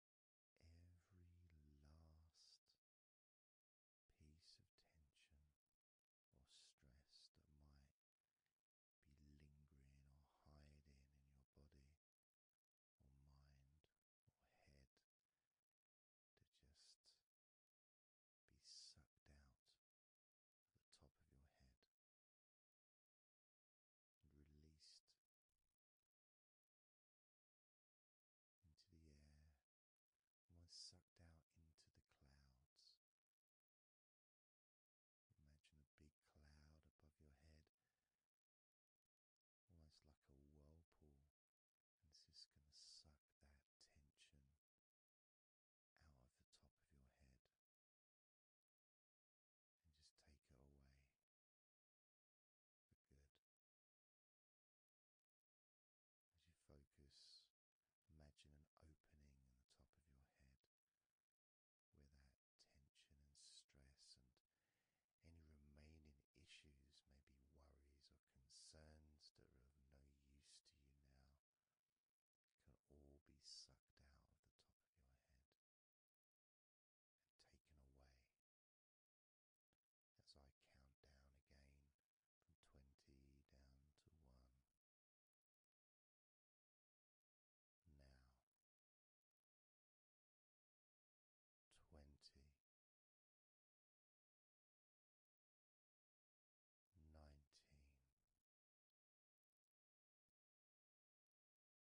every last piece of tension or stress that might be lingering or hiding in your body or mind or head to just be sucked out of the top of your head released into the air, almost sucked out into the clouds. Imagine a big cloud above your head, almost like a whirlpool, and it's just going to suck that tension out of the top of your head and just take it away good. As you focus, imagine an opening in the top of your head where that tension and stress and any remaining issues, maybe worries or concerns that are of no use to you now, can all be sucked out of the top of your head taken away as I count down again from 20 down to 1. Now 20. 19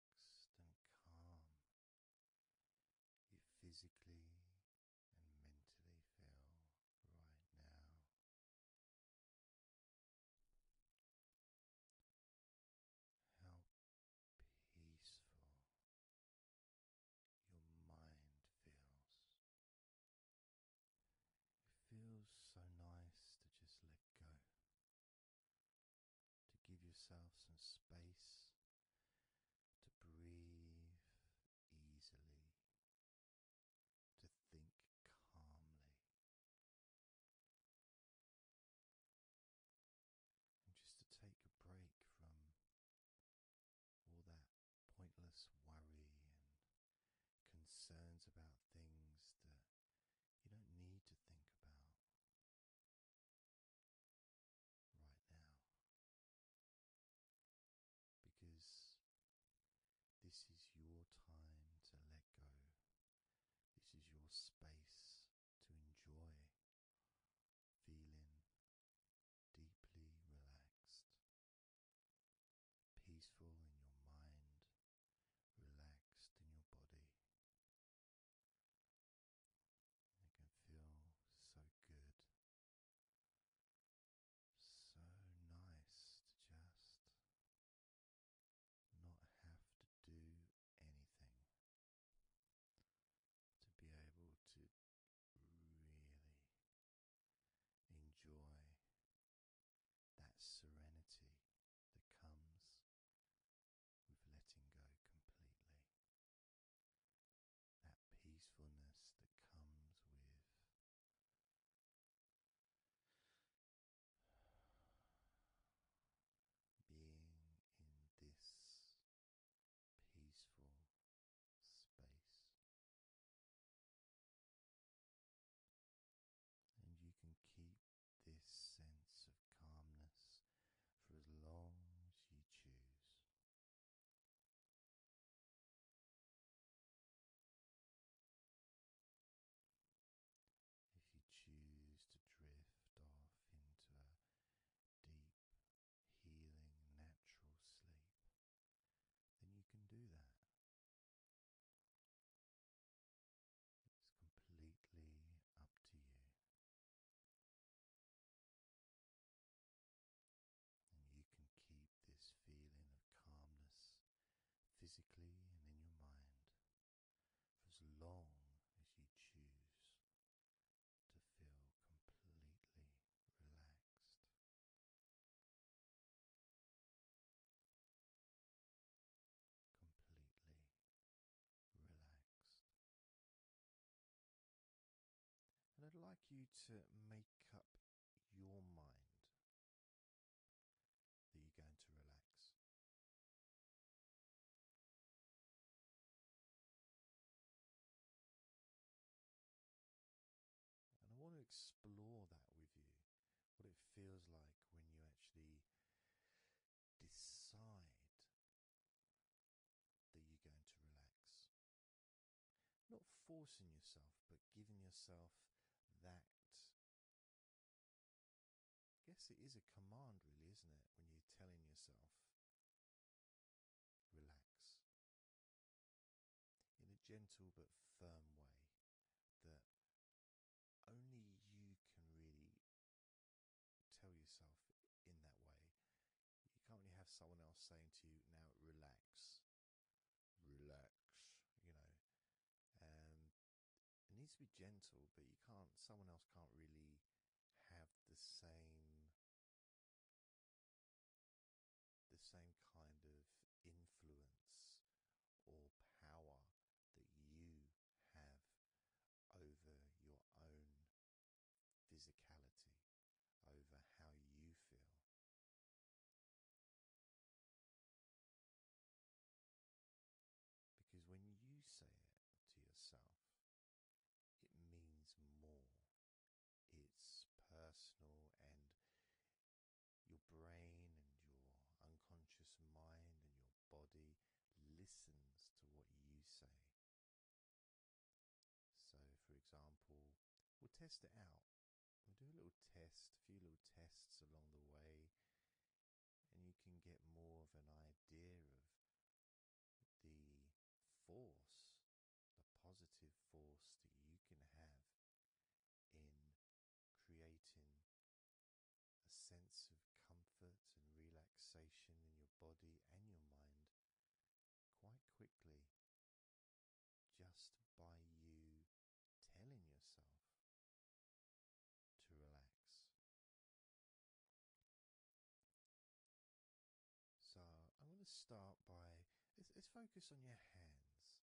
and calm, you physically and mentally feel right now. How peaceful your mind feels. It feels so nice to just let go to give yourself some space to breathe easily, to think calmly, and just to take a break from all that pointless worry and concerns about things that you don't need to think about right now because this is your time to let go. This is your space to enjoy feeling deeply relaxed, peaceful in your mind, relaxed in your body, so so good, nice to to to just do anything be able really enjoy that serenity that comes with letting go completely that peacefulness that comes with. Being in this peaceful space, and you can keep this sense of calmness for as long as you choose. If you choose to drift off into a deep, healing, natural sleep, then you can do that. It's completely up to you you can keep this feeling of calmness physically and in your mind for as long as you choose to feel completely relaxed. Completely relaxed. And I'd like you to make up your mind that you're going to relax. And I want to explore that with you what it feels like when you actually decide that you're going to relax. Not forcing yourself, but giving yourself that. I guess it is a command, really, isn't it? When you're telling yourself, relax. In a gentle but firm way that only you can really tell yourself in that way, you can't really have someone else saying to you, now relax, relax, you know. And it needs to be gentle, but you can't, someone else can't really have the same, the same kind of influence or power that you have over your own physicality over how you feel. Because when you say it to yourself, it means more. It's personal, and your brain and your unconscious mind and your body listens to what you say. So, for example, we'll test it out. we do a little test, a few little tests along the way, and you can get more of an idea of the force, the positive force that you can have in creating a sense of comfort and relaxation in your body and your mind quite quickly just by you telling yourself to relax. So, I'm going to start by let's, focus on your hands.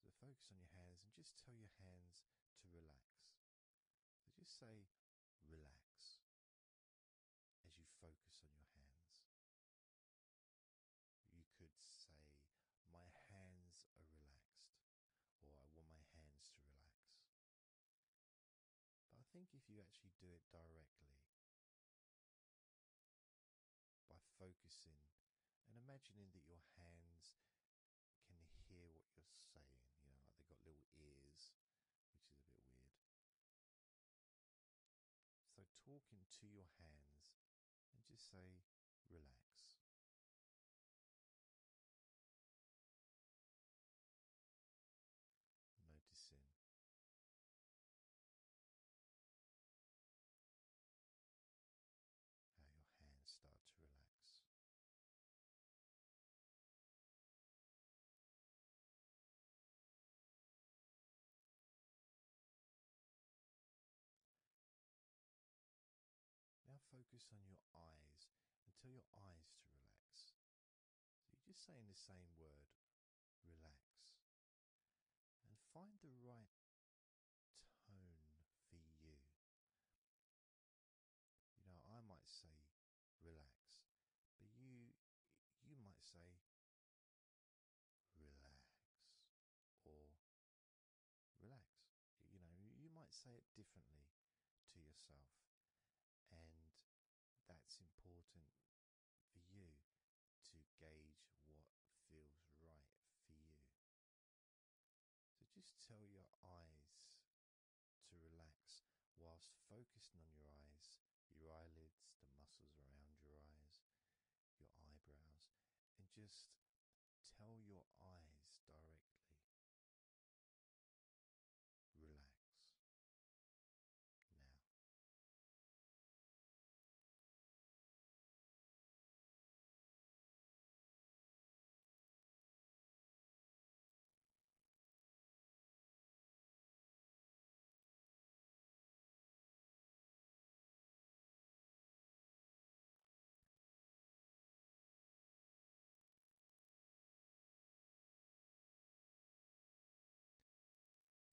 So, focus on your hands and just tell your hands to relax. So just say relax as you focus on your hands. You could say, My hands are relaxed, or I want my hands to relax. But I think if you actually do it directly, by focusing and imagining that your hands can hear what you're saying, you know, like they've got little ears, which is a bit weird. So talk into your hands and just say, relax. Noticing how your hands start to relax. Now focus on your eyes and tell your eyes to relax. So you're just saying the same word, relax. And find the right tone for you. You know, I might say relax. But you you might say relax or relax. You know, you might say it differently to yourself. And that's important for you to gauge what feels right for you. So just tell your eyes to relax whilst focusing on your eyes, your eyelids, the muscles around your eyes, your eyebrows, and just tell your eyes directly relax now.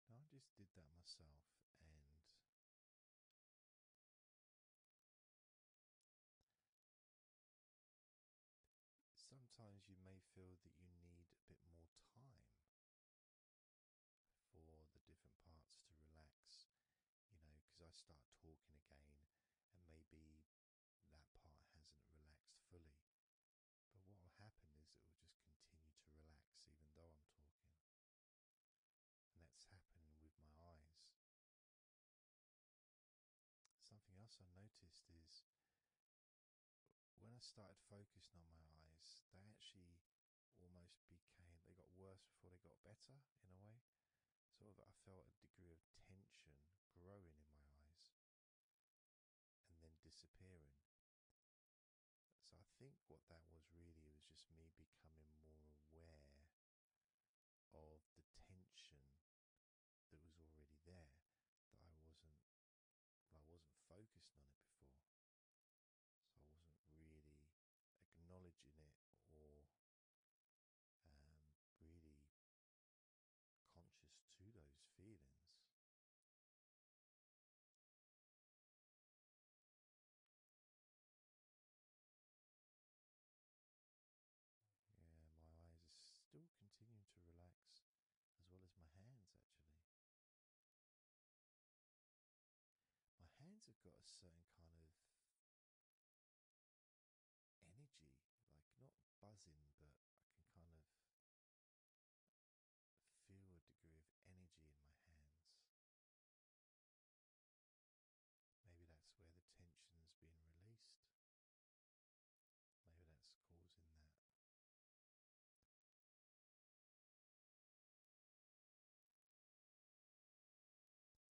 I just did that myself, and sometimes you may feel that you need a bit more time for the different parts to relax, you know, because I start talking again and maybe that part hasn't relaxed fully. But what will happen is it will just continue to relax even though I'm talking. And that's happening with my eyes. Something else I noticed is when I started focusing on my eyes, they actually almost became, they got worse before they got better in a way. Sort of, I felt a degree of tension growing in my eyes and then disappearing. So I think what that was really was just me becoming more aware of the tension that was already there that I wasn't I wasn't focused on it before. So I wasn't really acknowledging it or um, really conscious to those feelings. Yeah, my eyes are still continuing to relax as well as my hands actually. My hands have got a certain kind of energy, like not buzzing, but I can kind of feel a degree of energy in my hands. Maybe that's where the tension's been released. Maybe that's causing that.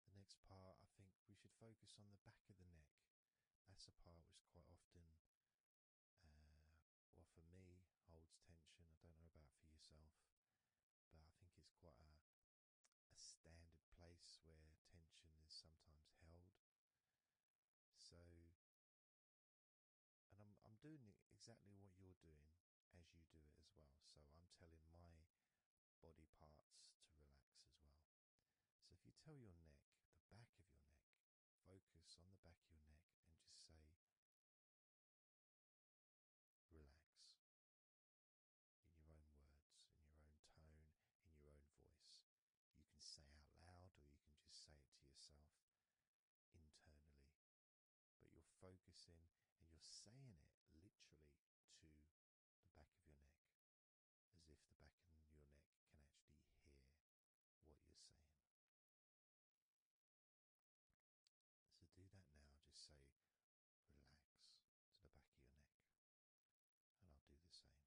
The next part, I think we should focus on the back of the neck. That's a part which quite often, uh, well, for me, holds tension. I don't know about for yourself, but I think it's quite a, a standard place where tension is sometimes held. So and I'm I'm doing exactly what you're doing as you do it as well. So I'm telling my body parts to relax as well. So if you tell your neck, the back of your neck, focus on the back of your neck and just say, relax in your own words, in your own tone, in your own voice. You can say out loud or you can just say it to yourself internally, but you're focusing and you're saying it literally to the back of your neck, as if the back of your neck can actually hear what you're saying. So do that now, just say relax to the back of your neck, and I'll do the same.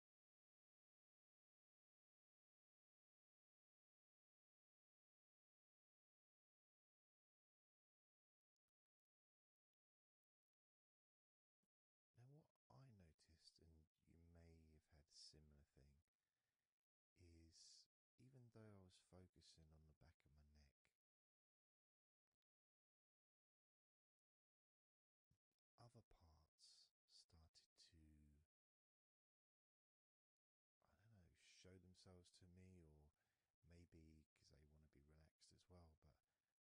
Now, what I noticed, and you may have had similar thing, is even though I was focusing on the back of my neck, other parts started to I don't know, show themselves to me, or maybe because they want to be relaxed as well.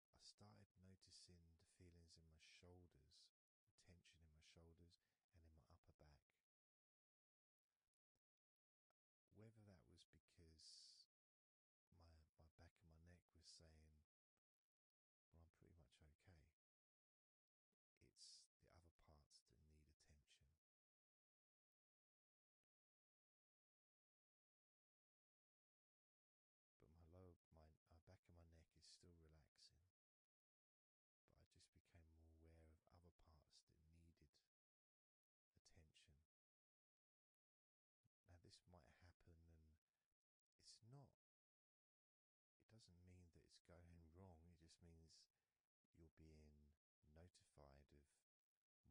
But I started noticing the feelings in my shoulders, the tension in my shoulders and in my upper back. Whether that was because my my back and my neck was saying, "Well, I'm pretty much okay," it's the other parts that need attention. But my lower, my uh, back of my neck is still relaxing. But I just became more aware of other parts that needed attention. Now, this might happen, and it's not it doesn't mean that it's going wrong, it just means you're being notified of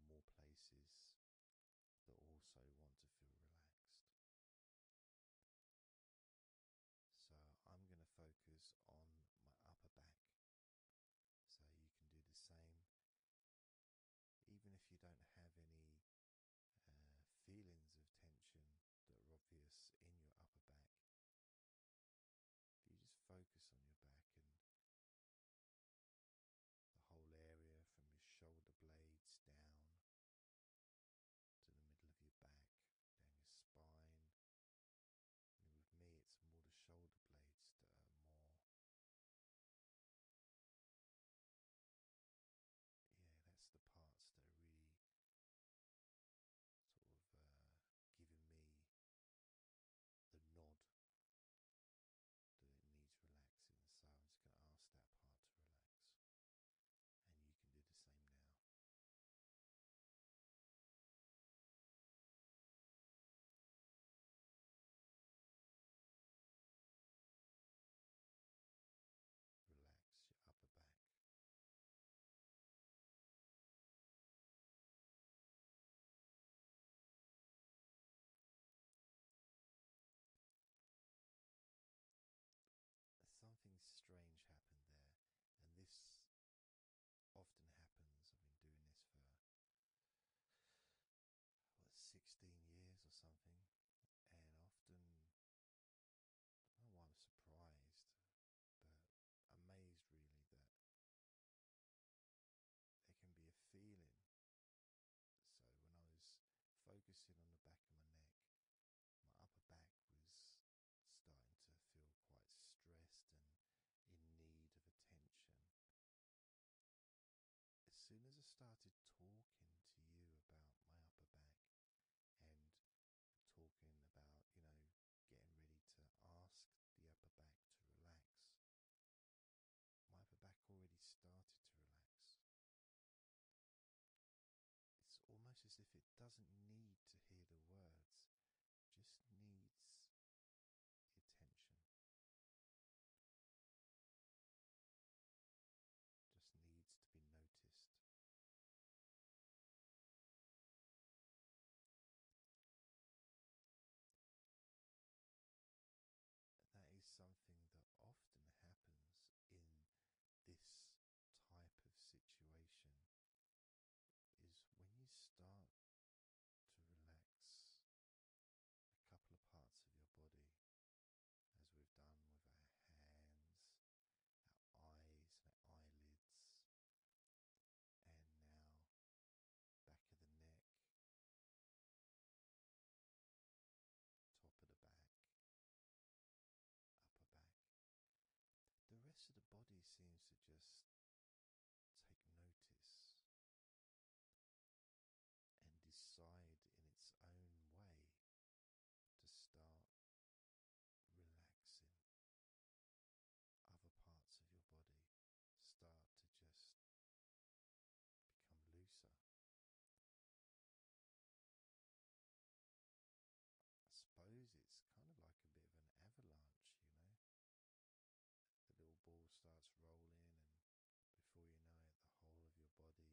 more places that also want to feel relaxed. So I'm going to focus on my upper back. So you can do the same, even if you don't have any uh, feelings of tension that are obvious in your upper back. you just focus on your back and the whole area from your shoulder blades down to the middle of your back, down your spine. with me, it's more the shoulder blades that are more. Yeah, that's the parts that are really sort of uh, giving me the nod that it needs relaxing. So I'm just going to ask that part to relax. And you can do the same now. Relax your upper back. Something strange happened there, and this often happens. I've been doing this for what, 16 years or something, and often I don't know why I'm surprised, but amazed really that there can be a feeling. So when I was focusing on the back of my neck, my upper back was starting to feel quite stressed and in need of attention. As soon as I started talking to you about my upper back and talking about, you know, getting ready to ask the upper back to relax. My upper back already started to relax. It's almost as if it doesn't need to hear the words, just needs the attention. Just needs to be noticed. That is something that often happens in this type of situation is when you start to relax a couple of parts of your body as we've done with our hands, eyes and eyelids, and now back of the neck, top of the back, upper back. The rest of the body seems to just take notice and decide in its own way to start relaxing. Other parts of your body start to just become looser. I suppose it's kind of like a bit of an avalanche, you know. The little ball starts rolling, and before you know it, the whole of your body is completely relaxed and calm.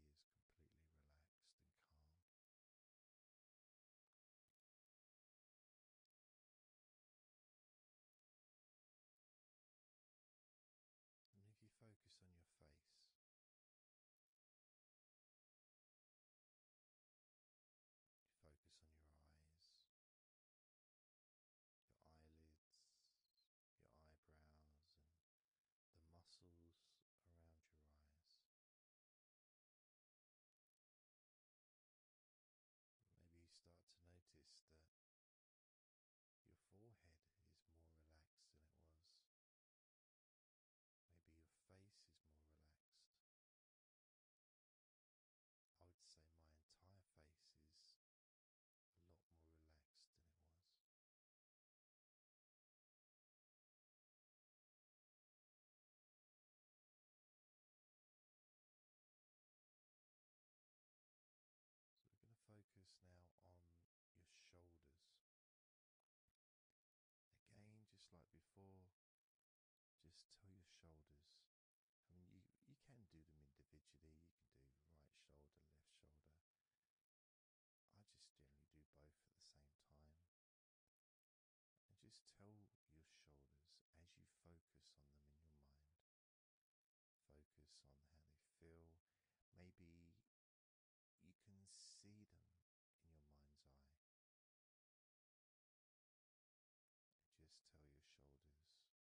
And if you focus on your face, focus on your eyes, your eyelids, your eyebrows, and the muscles around your eyes. Maybe you start to notice that your forehead is more relaxed than it was. Maybe your face is more relaxed. I would say my entire face is a lot more relaxed than it was. So we're going to focus now on your shoulders. Again, just like before, just tell your shoulders. I mean, you, you can do them individually. You can do right shoulder, left shoulder. I just generally do both at the same time. And just tell your shoulders as you focus on them in your mind, focus on how they feel. Maybe you can see them in your mind's eye. And just tell your shoulders to relax.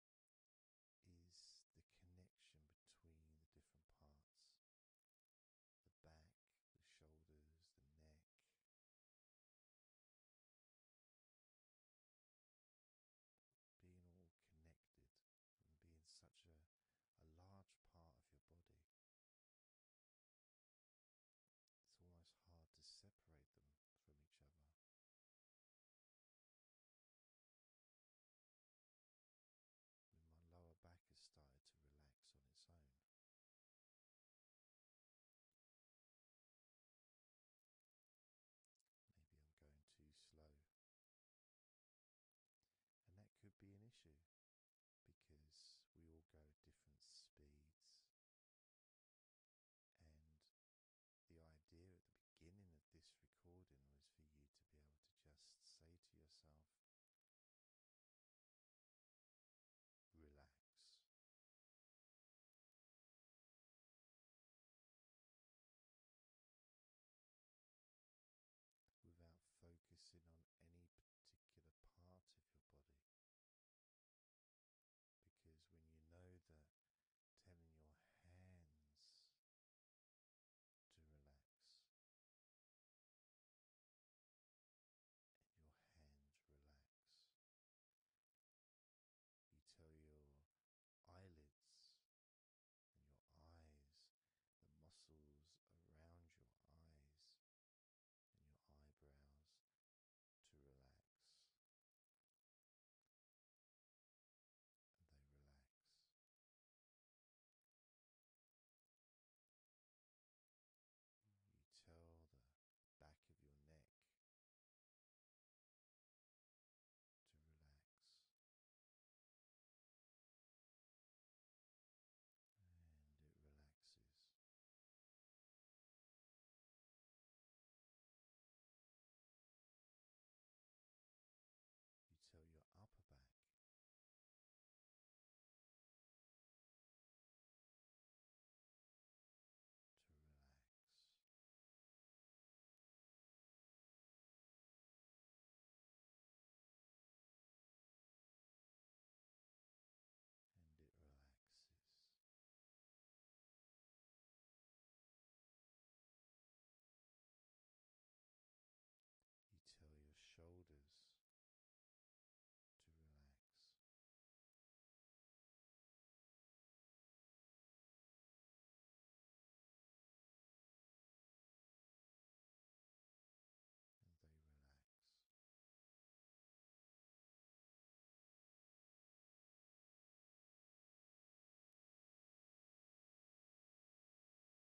is the connection between the different parts the back, the shoulders, the neck. Being all connected and being such a, large part of your body, it's almost hard to separate them from each other. And my lower back has started to relax on its own. Maybe I'm going too slow. And that could be an issue because we all go at different speeds. And the idea at the beginning of this recording was for you to be able to just say to yourself, relax. Without focusing on any particular part of your body. Because when you know that telling your hands to relax and your hands relax. You tell your eyelids and your eyes, the muscles around your eyes and your eyebrows to relax and they relax. You tell the back of your neck to relax, and it relaxes. You tell your upper back. To relax, and it relaxes. You tell your shoulders to relax. And they relax. When you told your hands to relax, they relaxed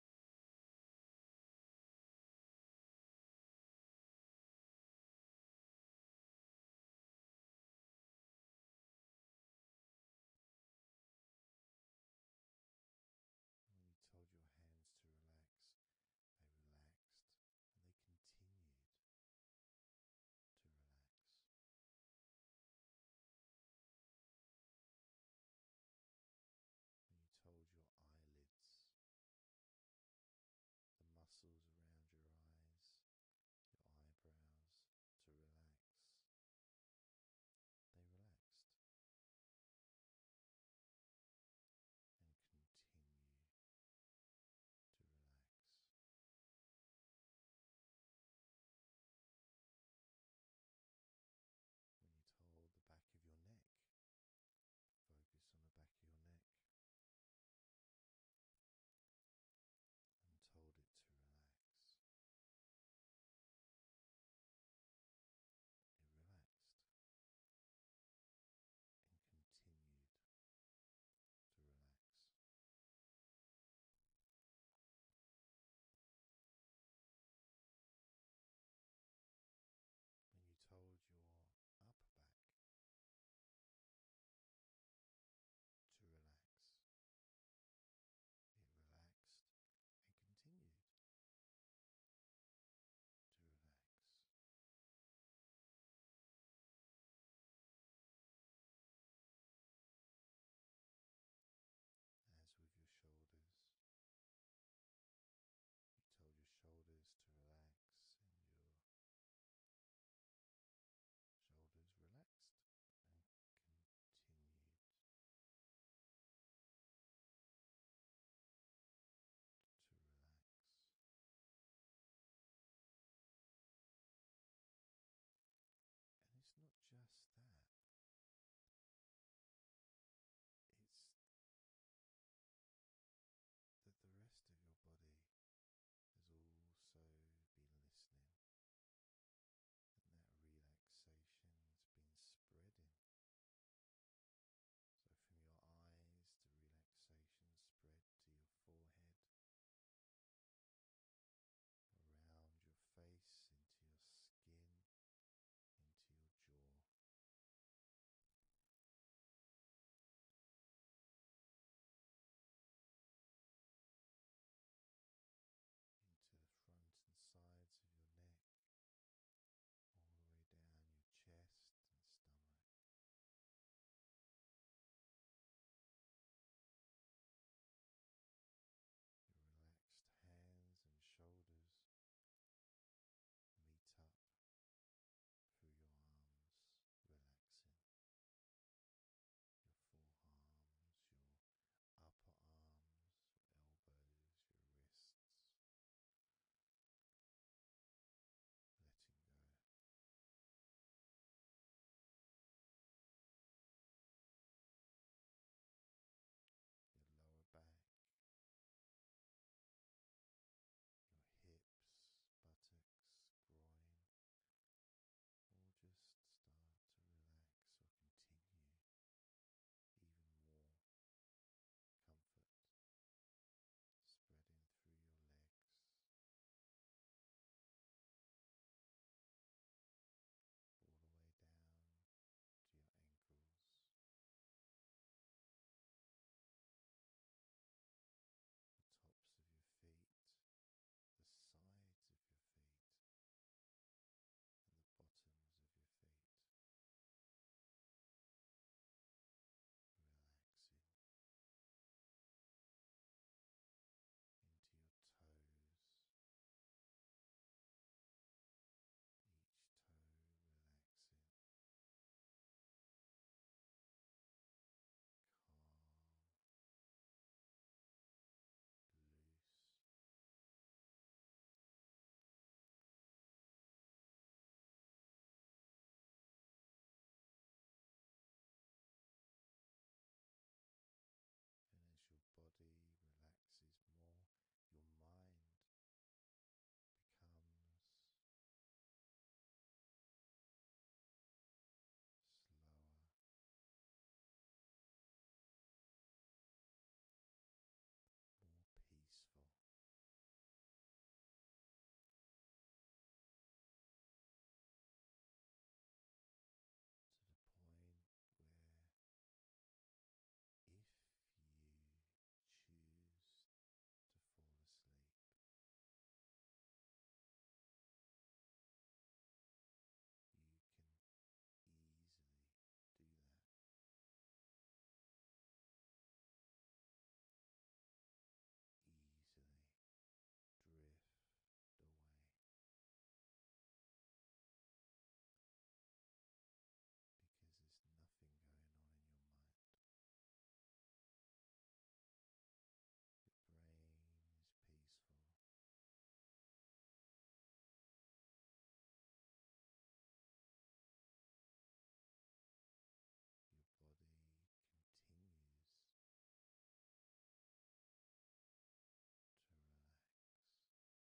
and they continued to relax. When you told your eyelids, the muscles around your eyes, your eyebrows to relax, they relaxed. And continue to relax. When you hold the back of your neck, focus on the back of your neck and told it to relax. It relaxed and continued to relax. When you told your upper back to relax, it relaxed and continued to relax. As with your shoulders, you tell your shoulders to relax, and your shoulders relaxed and continued. To relax, and it's not just that, it's that the rest of your body has also been listening, and that relaxation's been spreading. So, from your eyes, the relaxation spread to your forehead, around your face, into your skin into your jaw. Into the front and sides of your neck, all the way down your chest and stomach. Your relaxed hands and shoulders meet up through your arms, relaxing. Your forearms, your upper arms, elbows, your wrists, letting go your lower back, your hips, buttocks, groin, all just start to relax or continue even more. Comfort spreading through your legs. All the way down to your ankles. The tops of your feet, the sides of your feet, and the bottoms of your feet, relaxing into your toes, each toe relaxes, calm, loose. And as your body relaxes more, your mind becomes slower. More peaceful, to the point where if you choose to fall asleep, you can easily do that. Easily drift away because there's nothing going on in your mind. Your brain is peaceful. Your body continues to relax.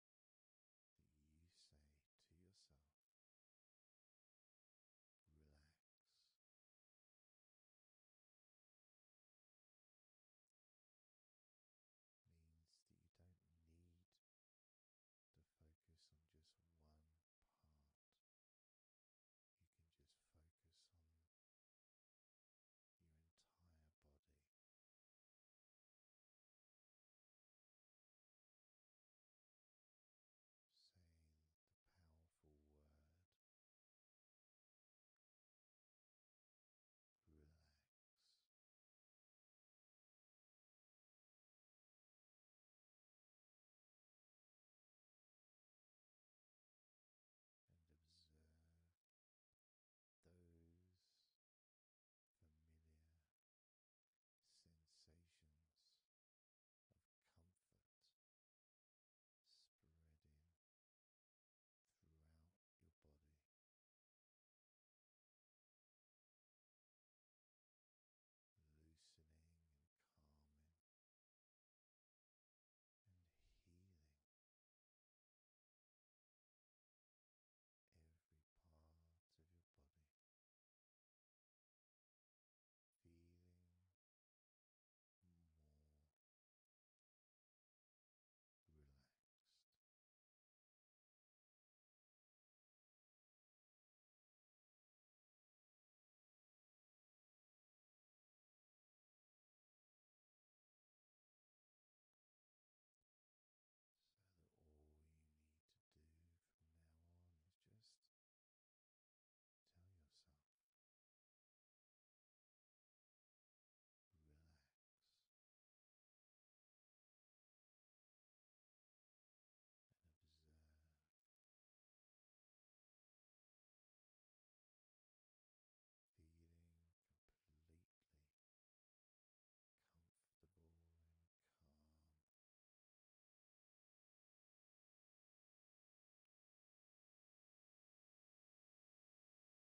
that you say to yourself, relax. Means that you don't need to focus on just one part, you can just focus on your entire body. Saying the powerful word relax. And observe those familiar sensations of comfort spreading throughout your body. Loosening and calming and healing every part of your body, feeling more relaxed. So that all you need to do from now on is just tell yourself, relax and observe. Feeling completely comfortable and calm. So relaxed. Starting now with number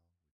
20.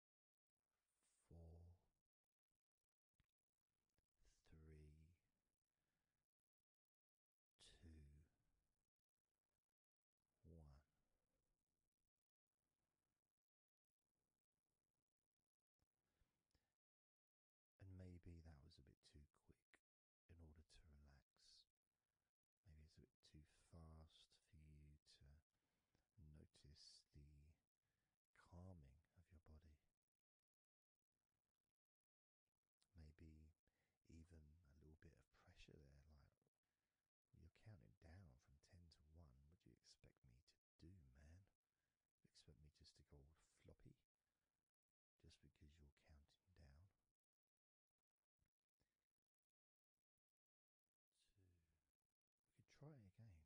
And maybe that was a bit too quick in order to relax. Maybe it's a bit too fast for you to notice the calming of your body. Maybe even a little bit of pressure there, like you're counting down from 10 to 1. Would you expect me to do, man? Expect me just to go all floppy just because you're counting down? So we could try it again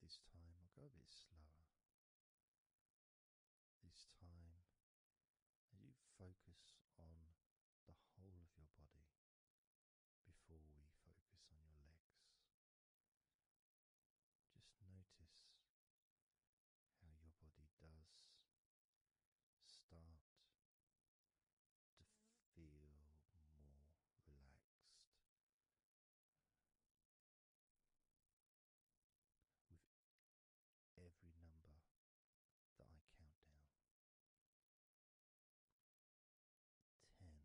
this time I'll go a bit slower. This time, as you focus on the whole of your body before we focus on your legs, just notice how your body does start to feel more relaxed with every number that I count down. Ten. Nine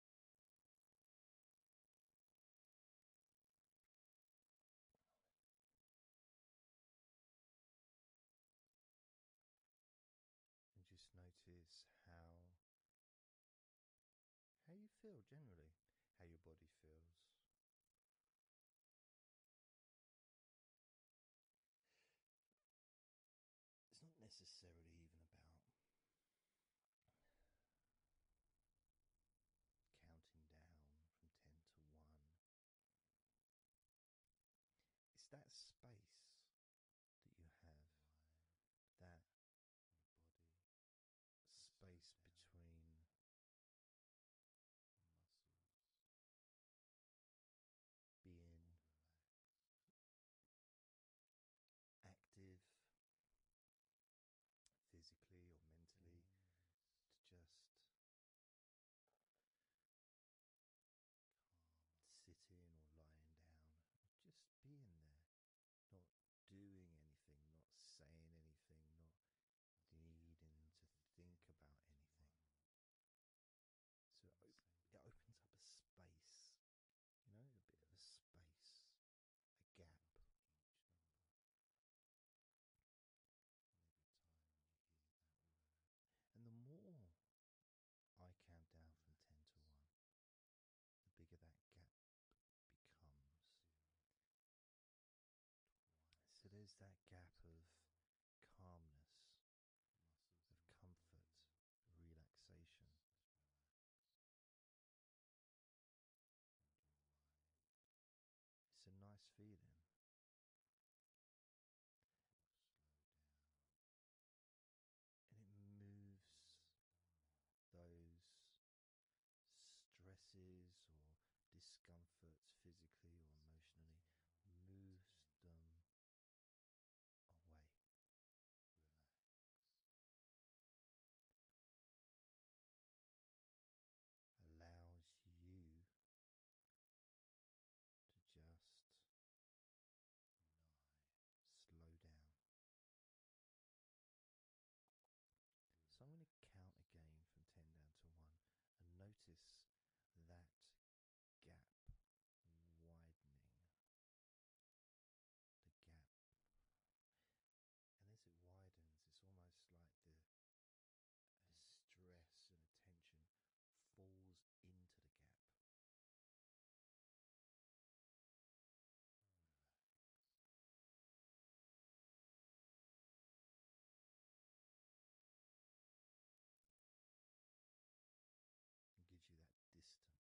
And just notice how how you feel generally, how your body feels. It's not necessarily even about counting down from 10 to 1. It's that space that you have, that space between being active physically or mentally to just sitting or lying down just being there not doing anything not saying anything not needing to think about anything so it opens up a space you know a bit of a space a gap in And the more I count down from 10 to 1, the bigger that gap becomes. So there's that gap of calmness, of comfort, relaxation, it's a nice feeling. And it moves those stresses or discomforts physically or emotionally, moves them away allows you to just slow down. So I'm going to count again from 10 down to 1 and notice that gap widening. The gap and as it widens, it's almost like the mm. stress and attention falls into the gap. Ah, it gives you that distance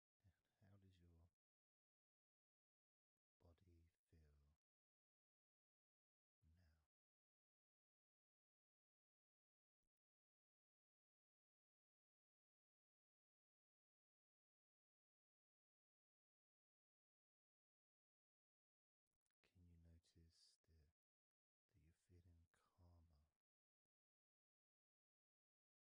how does your body feel now? Can you notice that you're feeling calmer?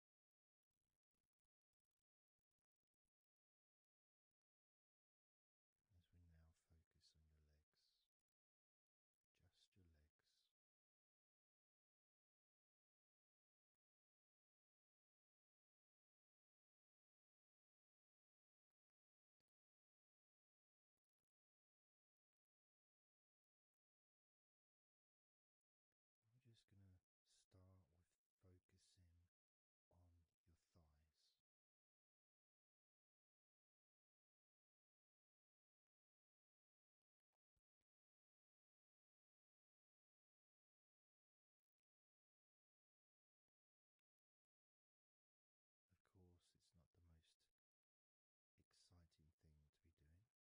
As we now focus on your legs, just your legs. I'm just going to start with focusing on your thighs. Of course, it's not the most exciting thing to be doing because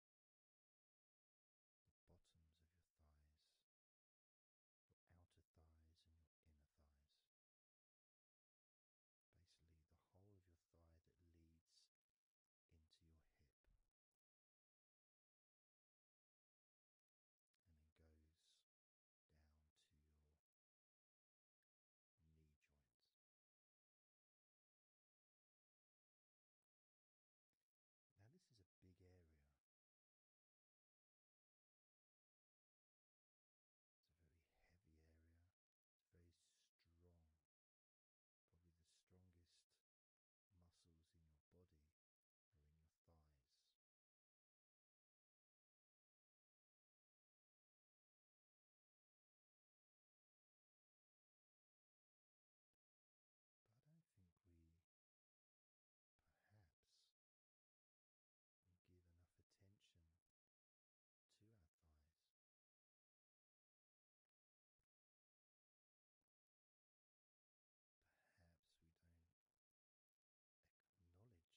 the bottoms of your thighs, your outer thighs, and your inner thighs. Basically, the whole of your thigh that leads into your hip and then goes down to your knee joints. Now, this is a big area. It's a very heavy area, it's very strong. Probably the strongest muscles in your body are in your thighs. But I think we perhaps give enough attention to our thighs. Perhaps we don't acknowledge how important our thighs are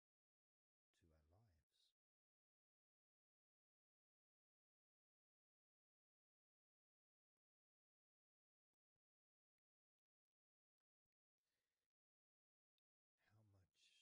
to our lives. How much they actually do for us all through our lives.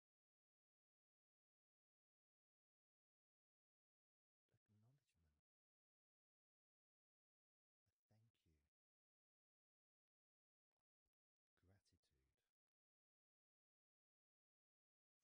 acknowledgement, a thank you, gratitude for what our thighs do for us. And I know this may sound a bit strange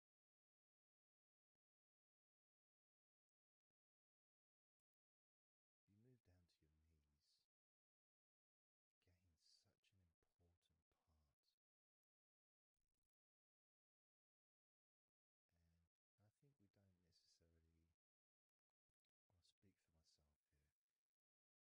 you move down to your knees, gain such an important part. And I think we don't necessarily, I'll speak for myself here, I don't necessarily appreciate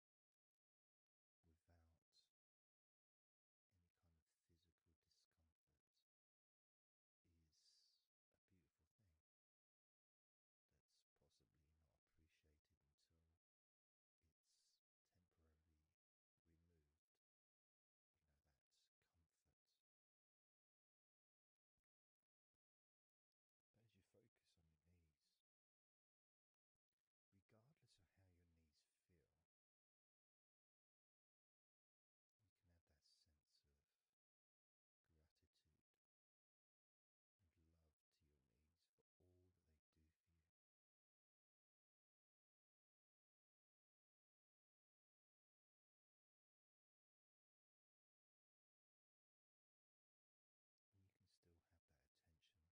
without any kind of physical discomfort is a beautiful thing that's possibly not appreciated until it's temporarily removed. You know, that comfort. But as you focus on your knees, Regardless of how your knees feel, you can have that sense of gratitude and love to your knees for all that they do for you. you can still have that attention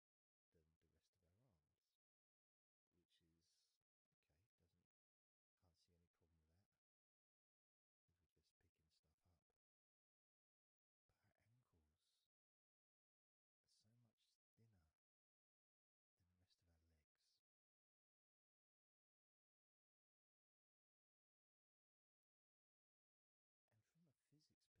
than the rest of our arms, which is okay. Doesn't can't see any problem with that. If we're just picking stuff up, but our ankles are so much thinner than the rest of our legs. And from a physics perspective,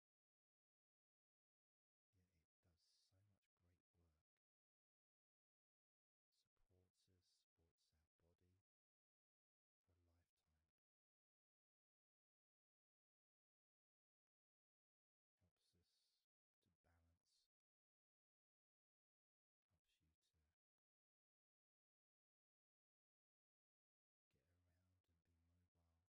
Yet it does so much great work. Supports us, supports our body for a lifetime. Helps us to balance, helps you to get around and be mobile.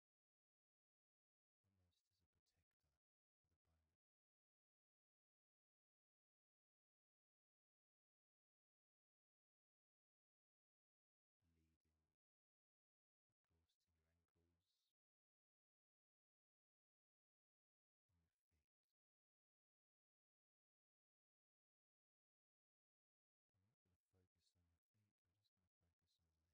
almost as a protector for the brand. Leaving a ghost in your ankles, on your feet. I'm not going to focus on your feet, I'm just going to focus on your legs.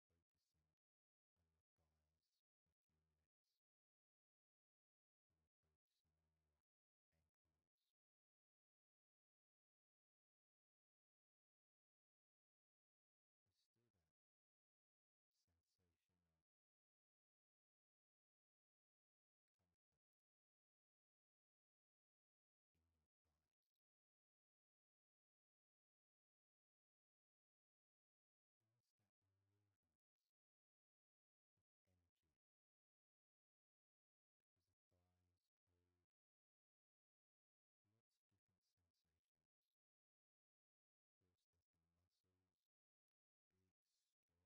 focusing on your thighs for a few minutes. And you're focusing on your ankles. There's still that sensation of comfort in your thighs. Notice that movement, its energy, as the thighs move, lots of different sensations. First, there's the muscles, big, strong muscle in each and every thigh.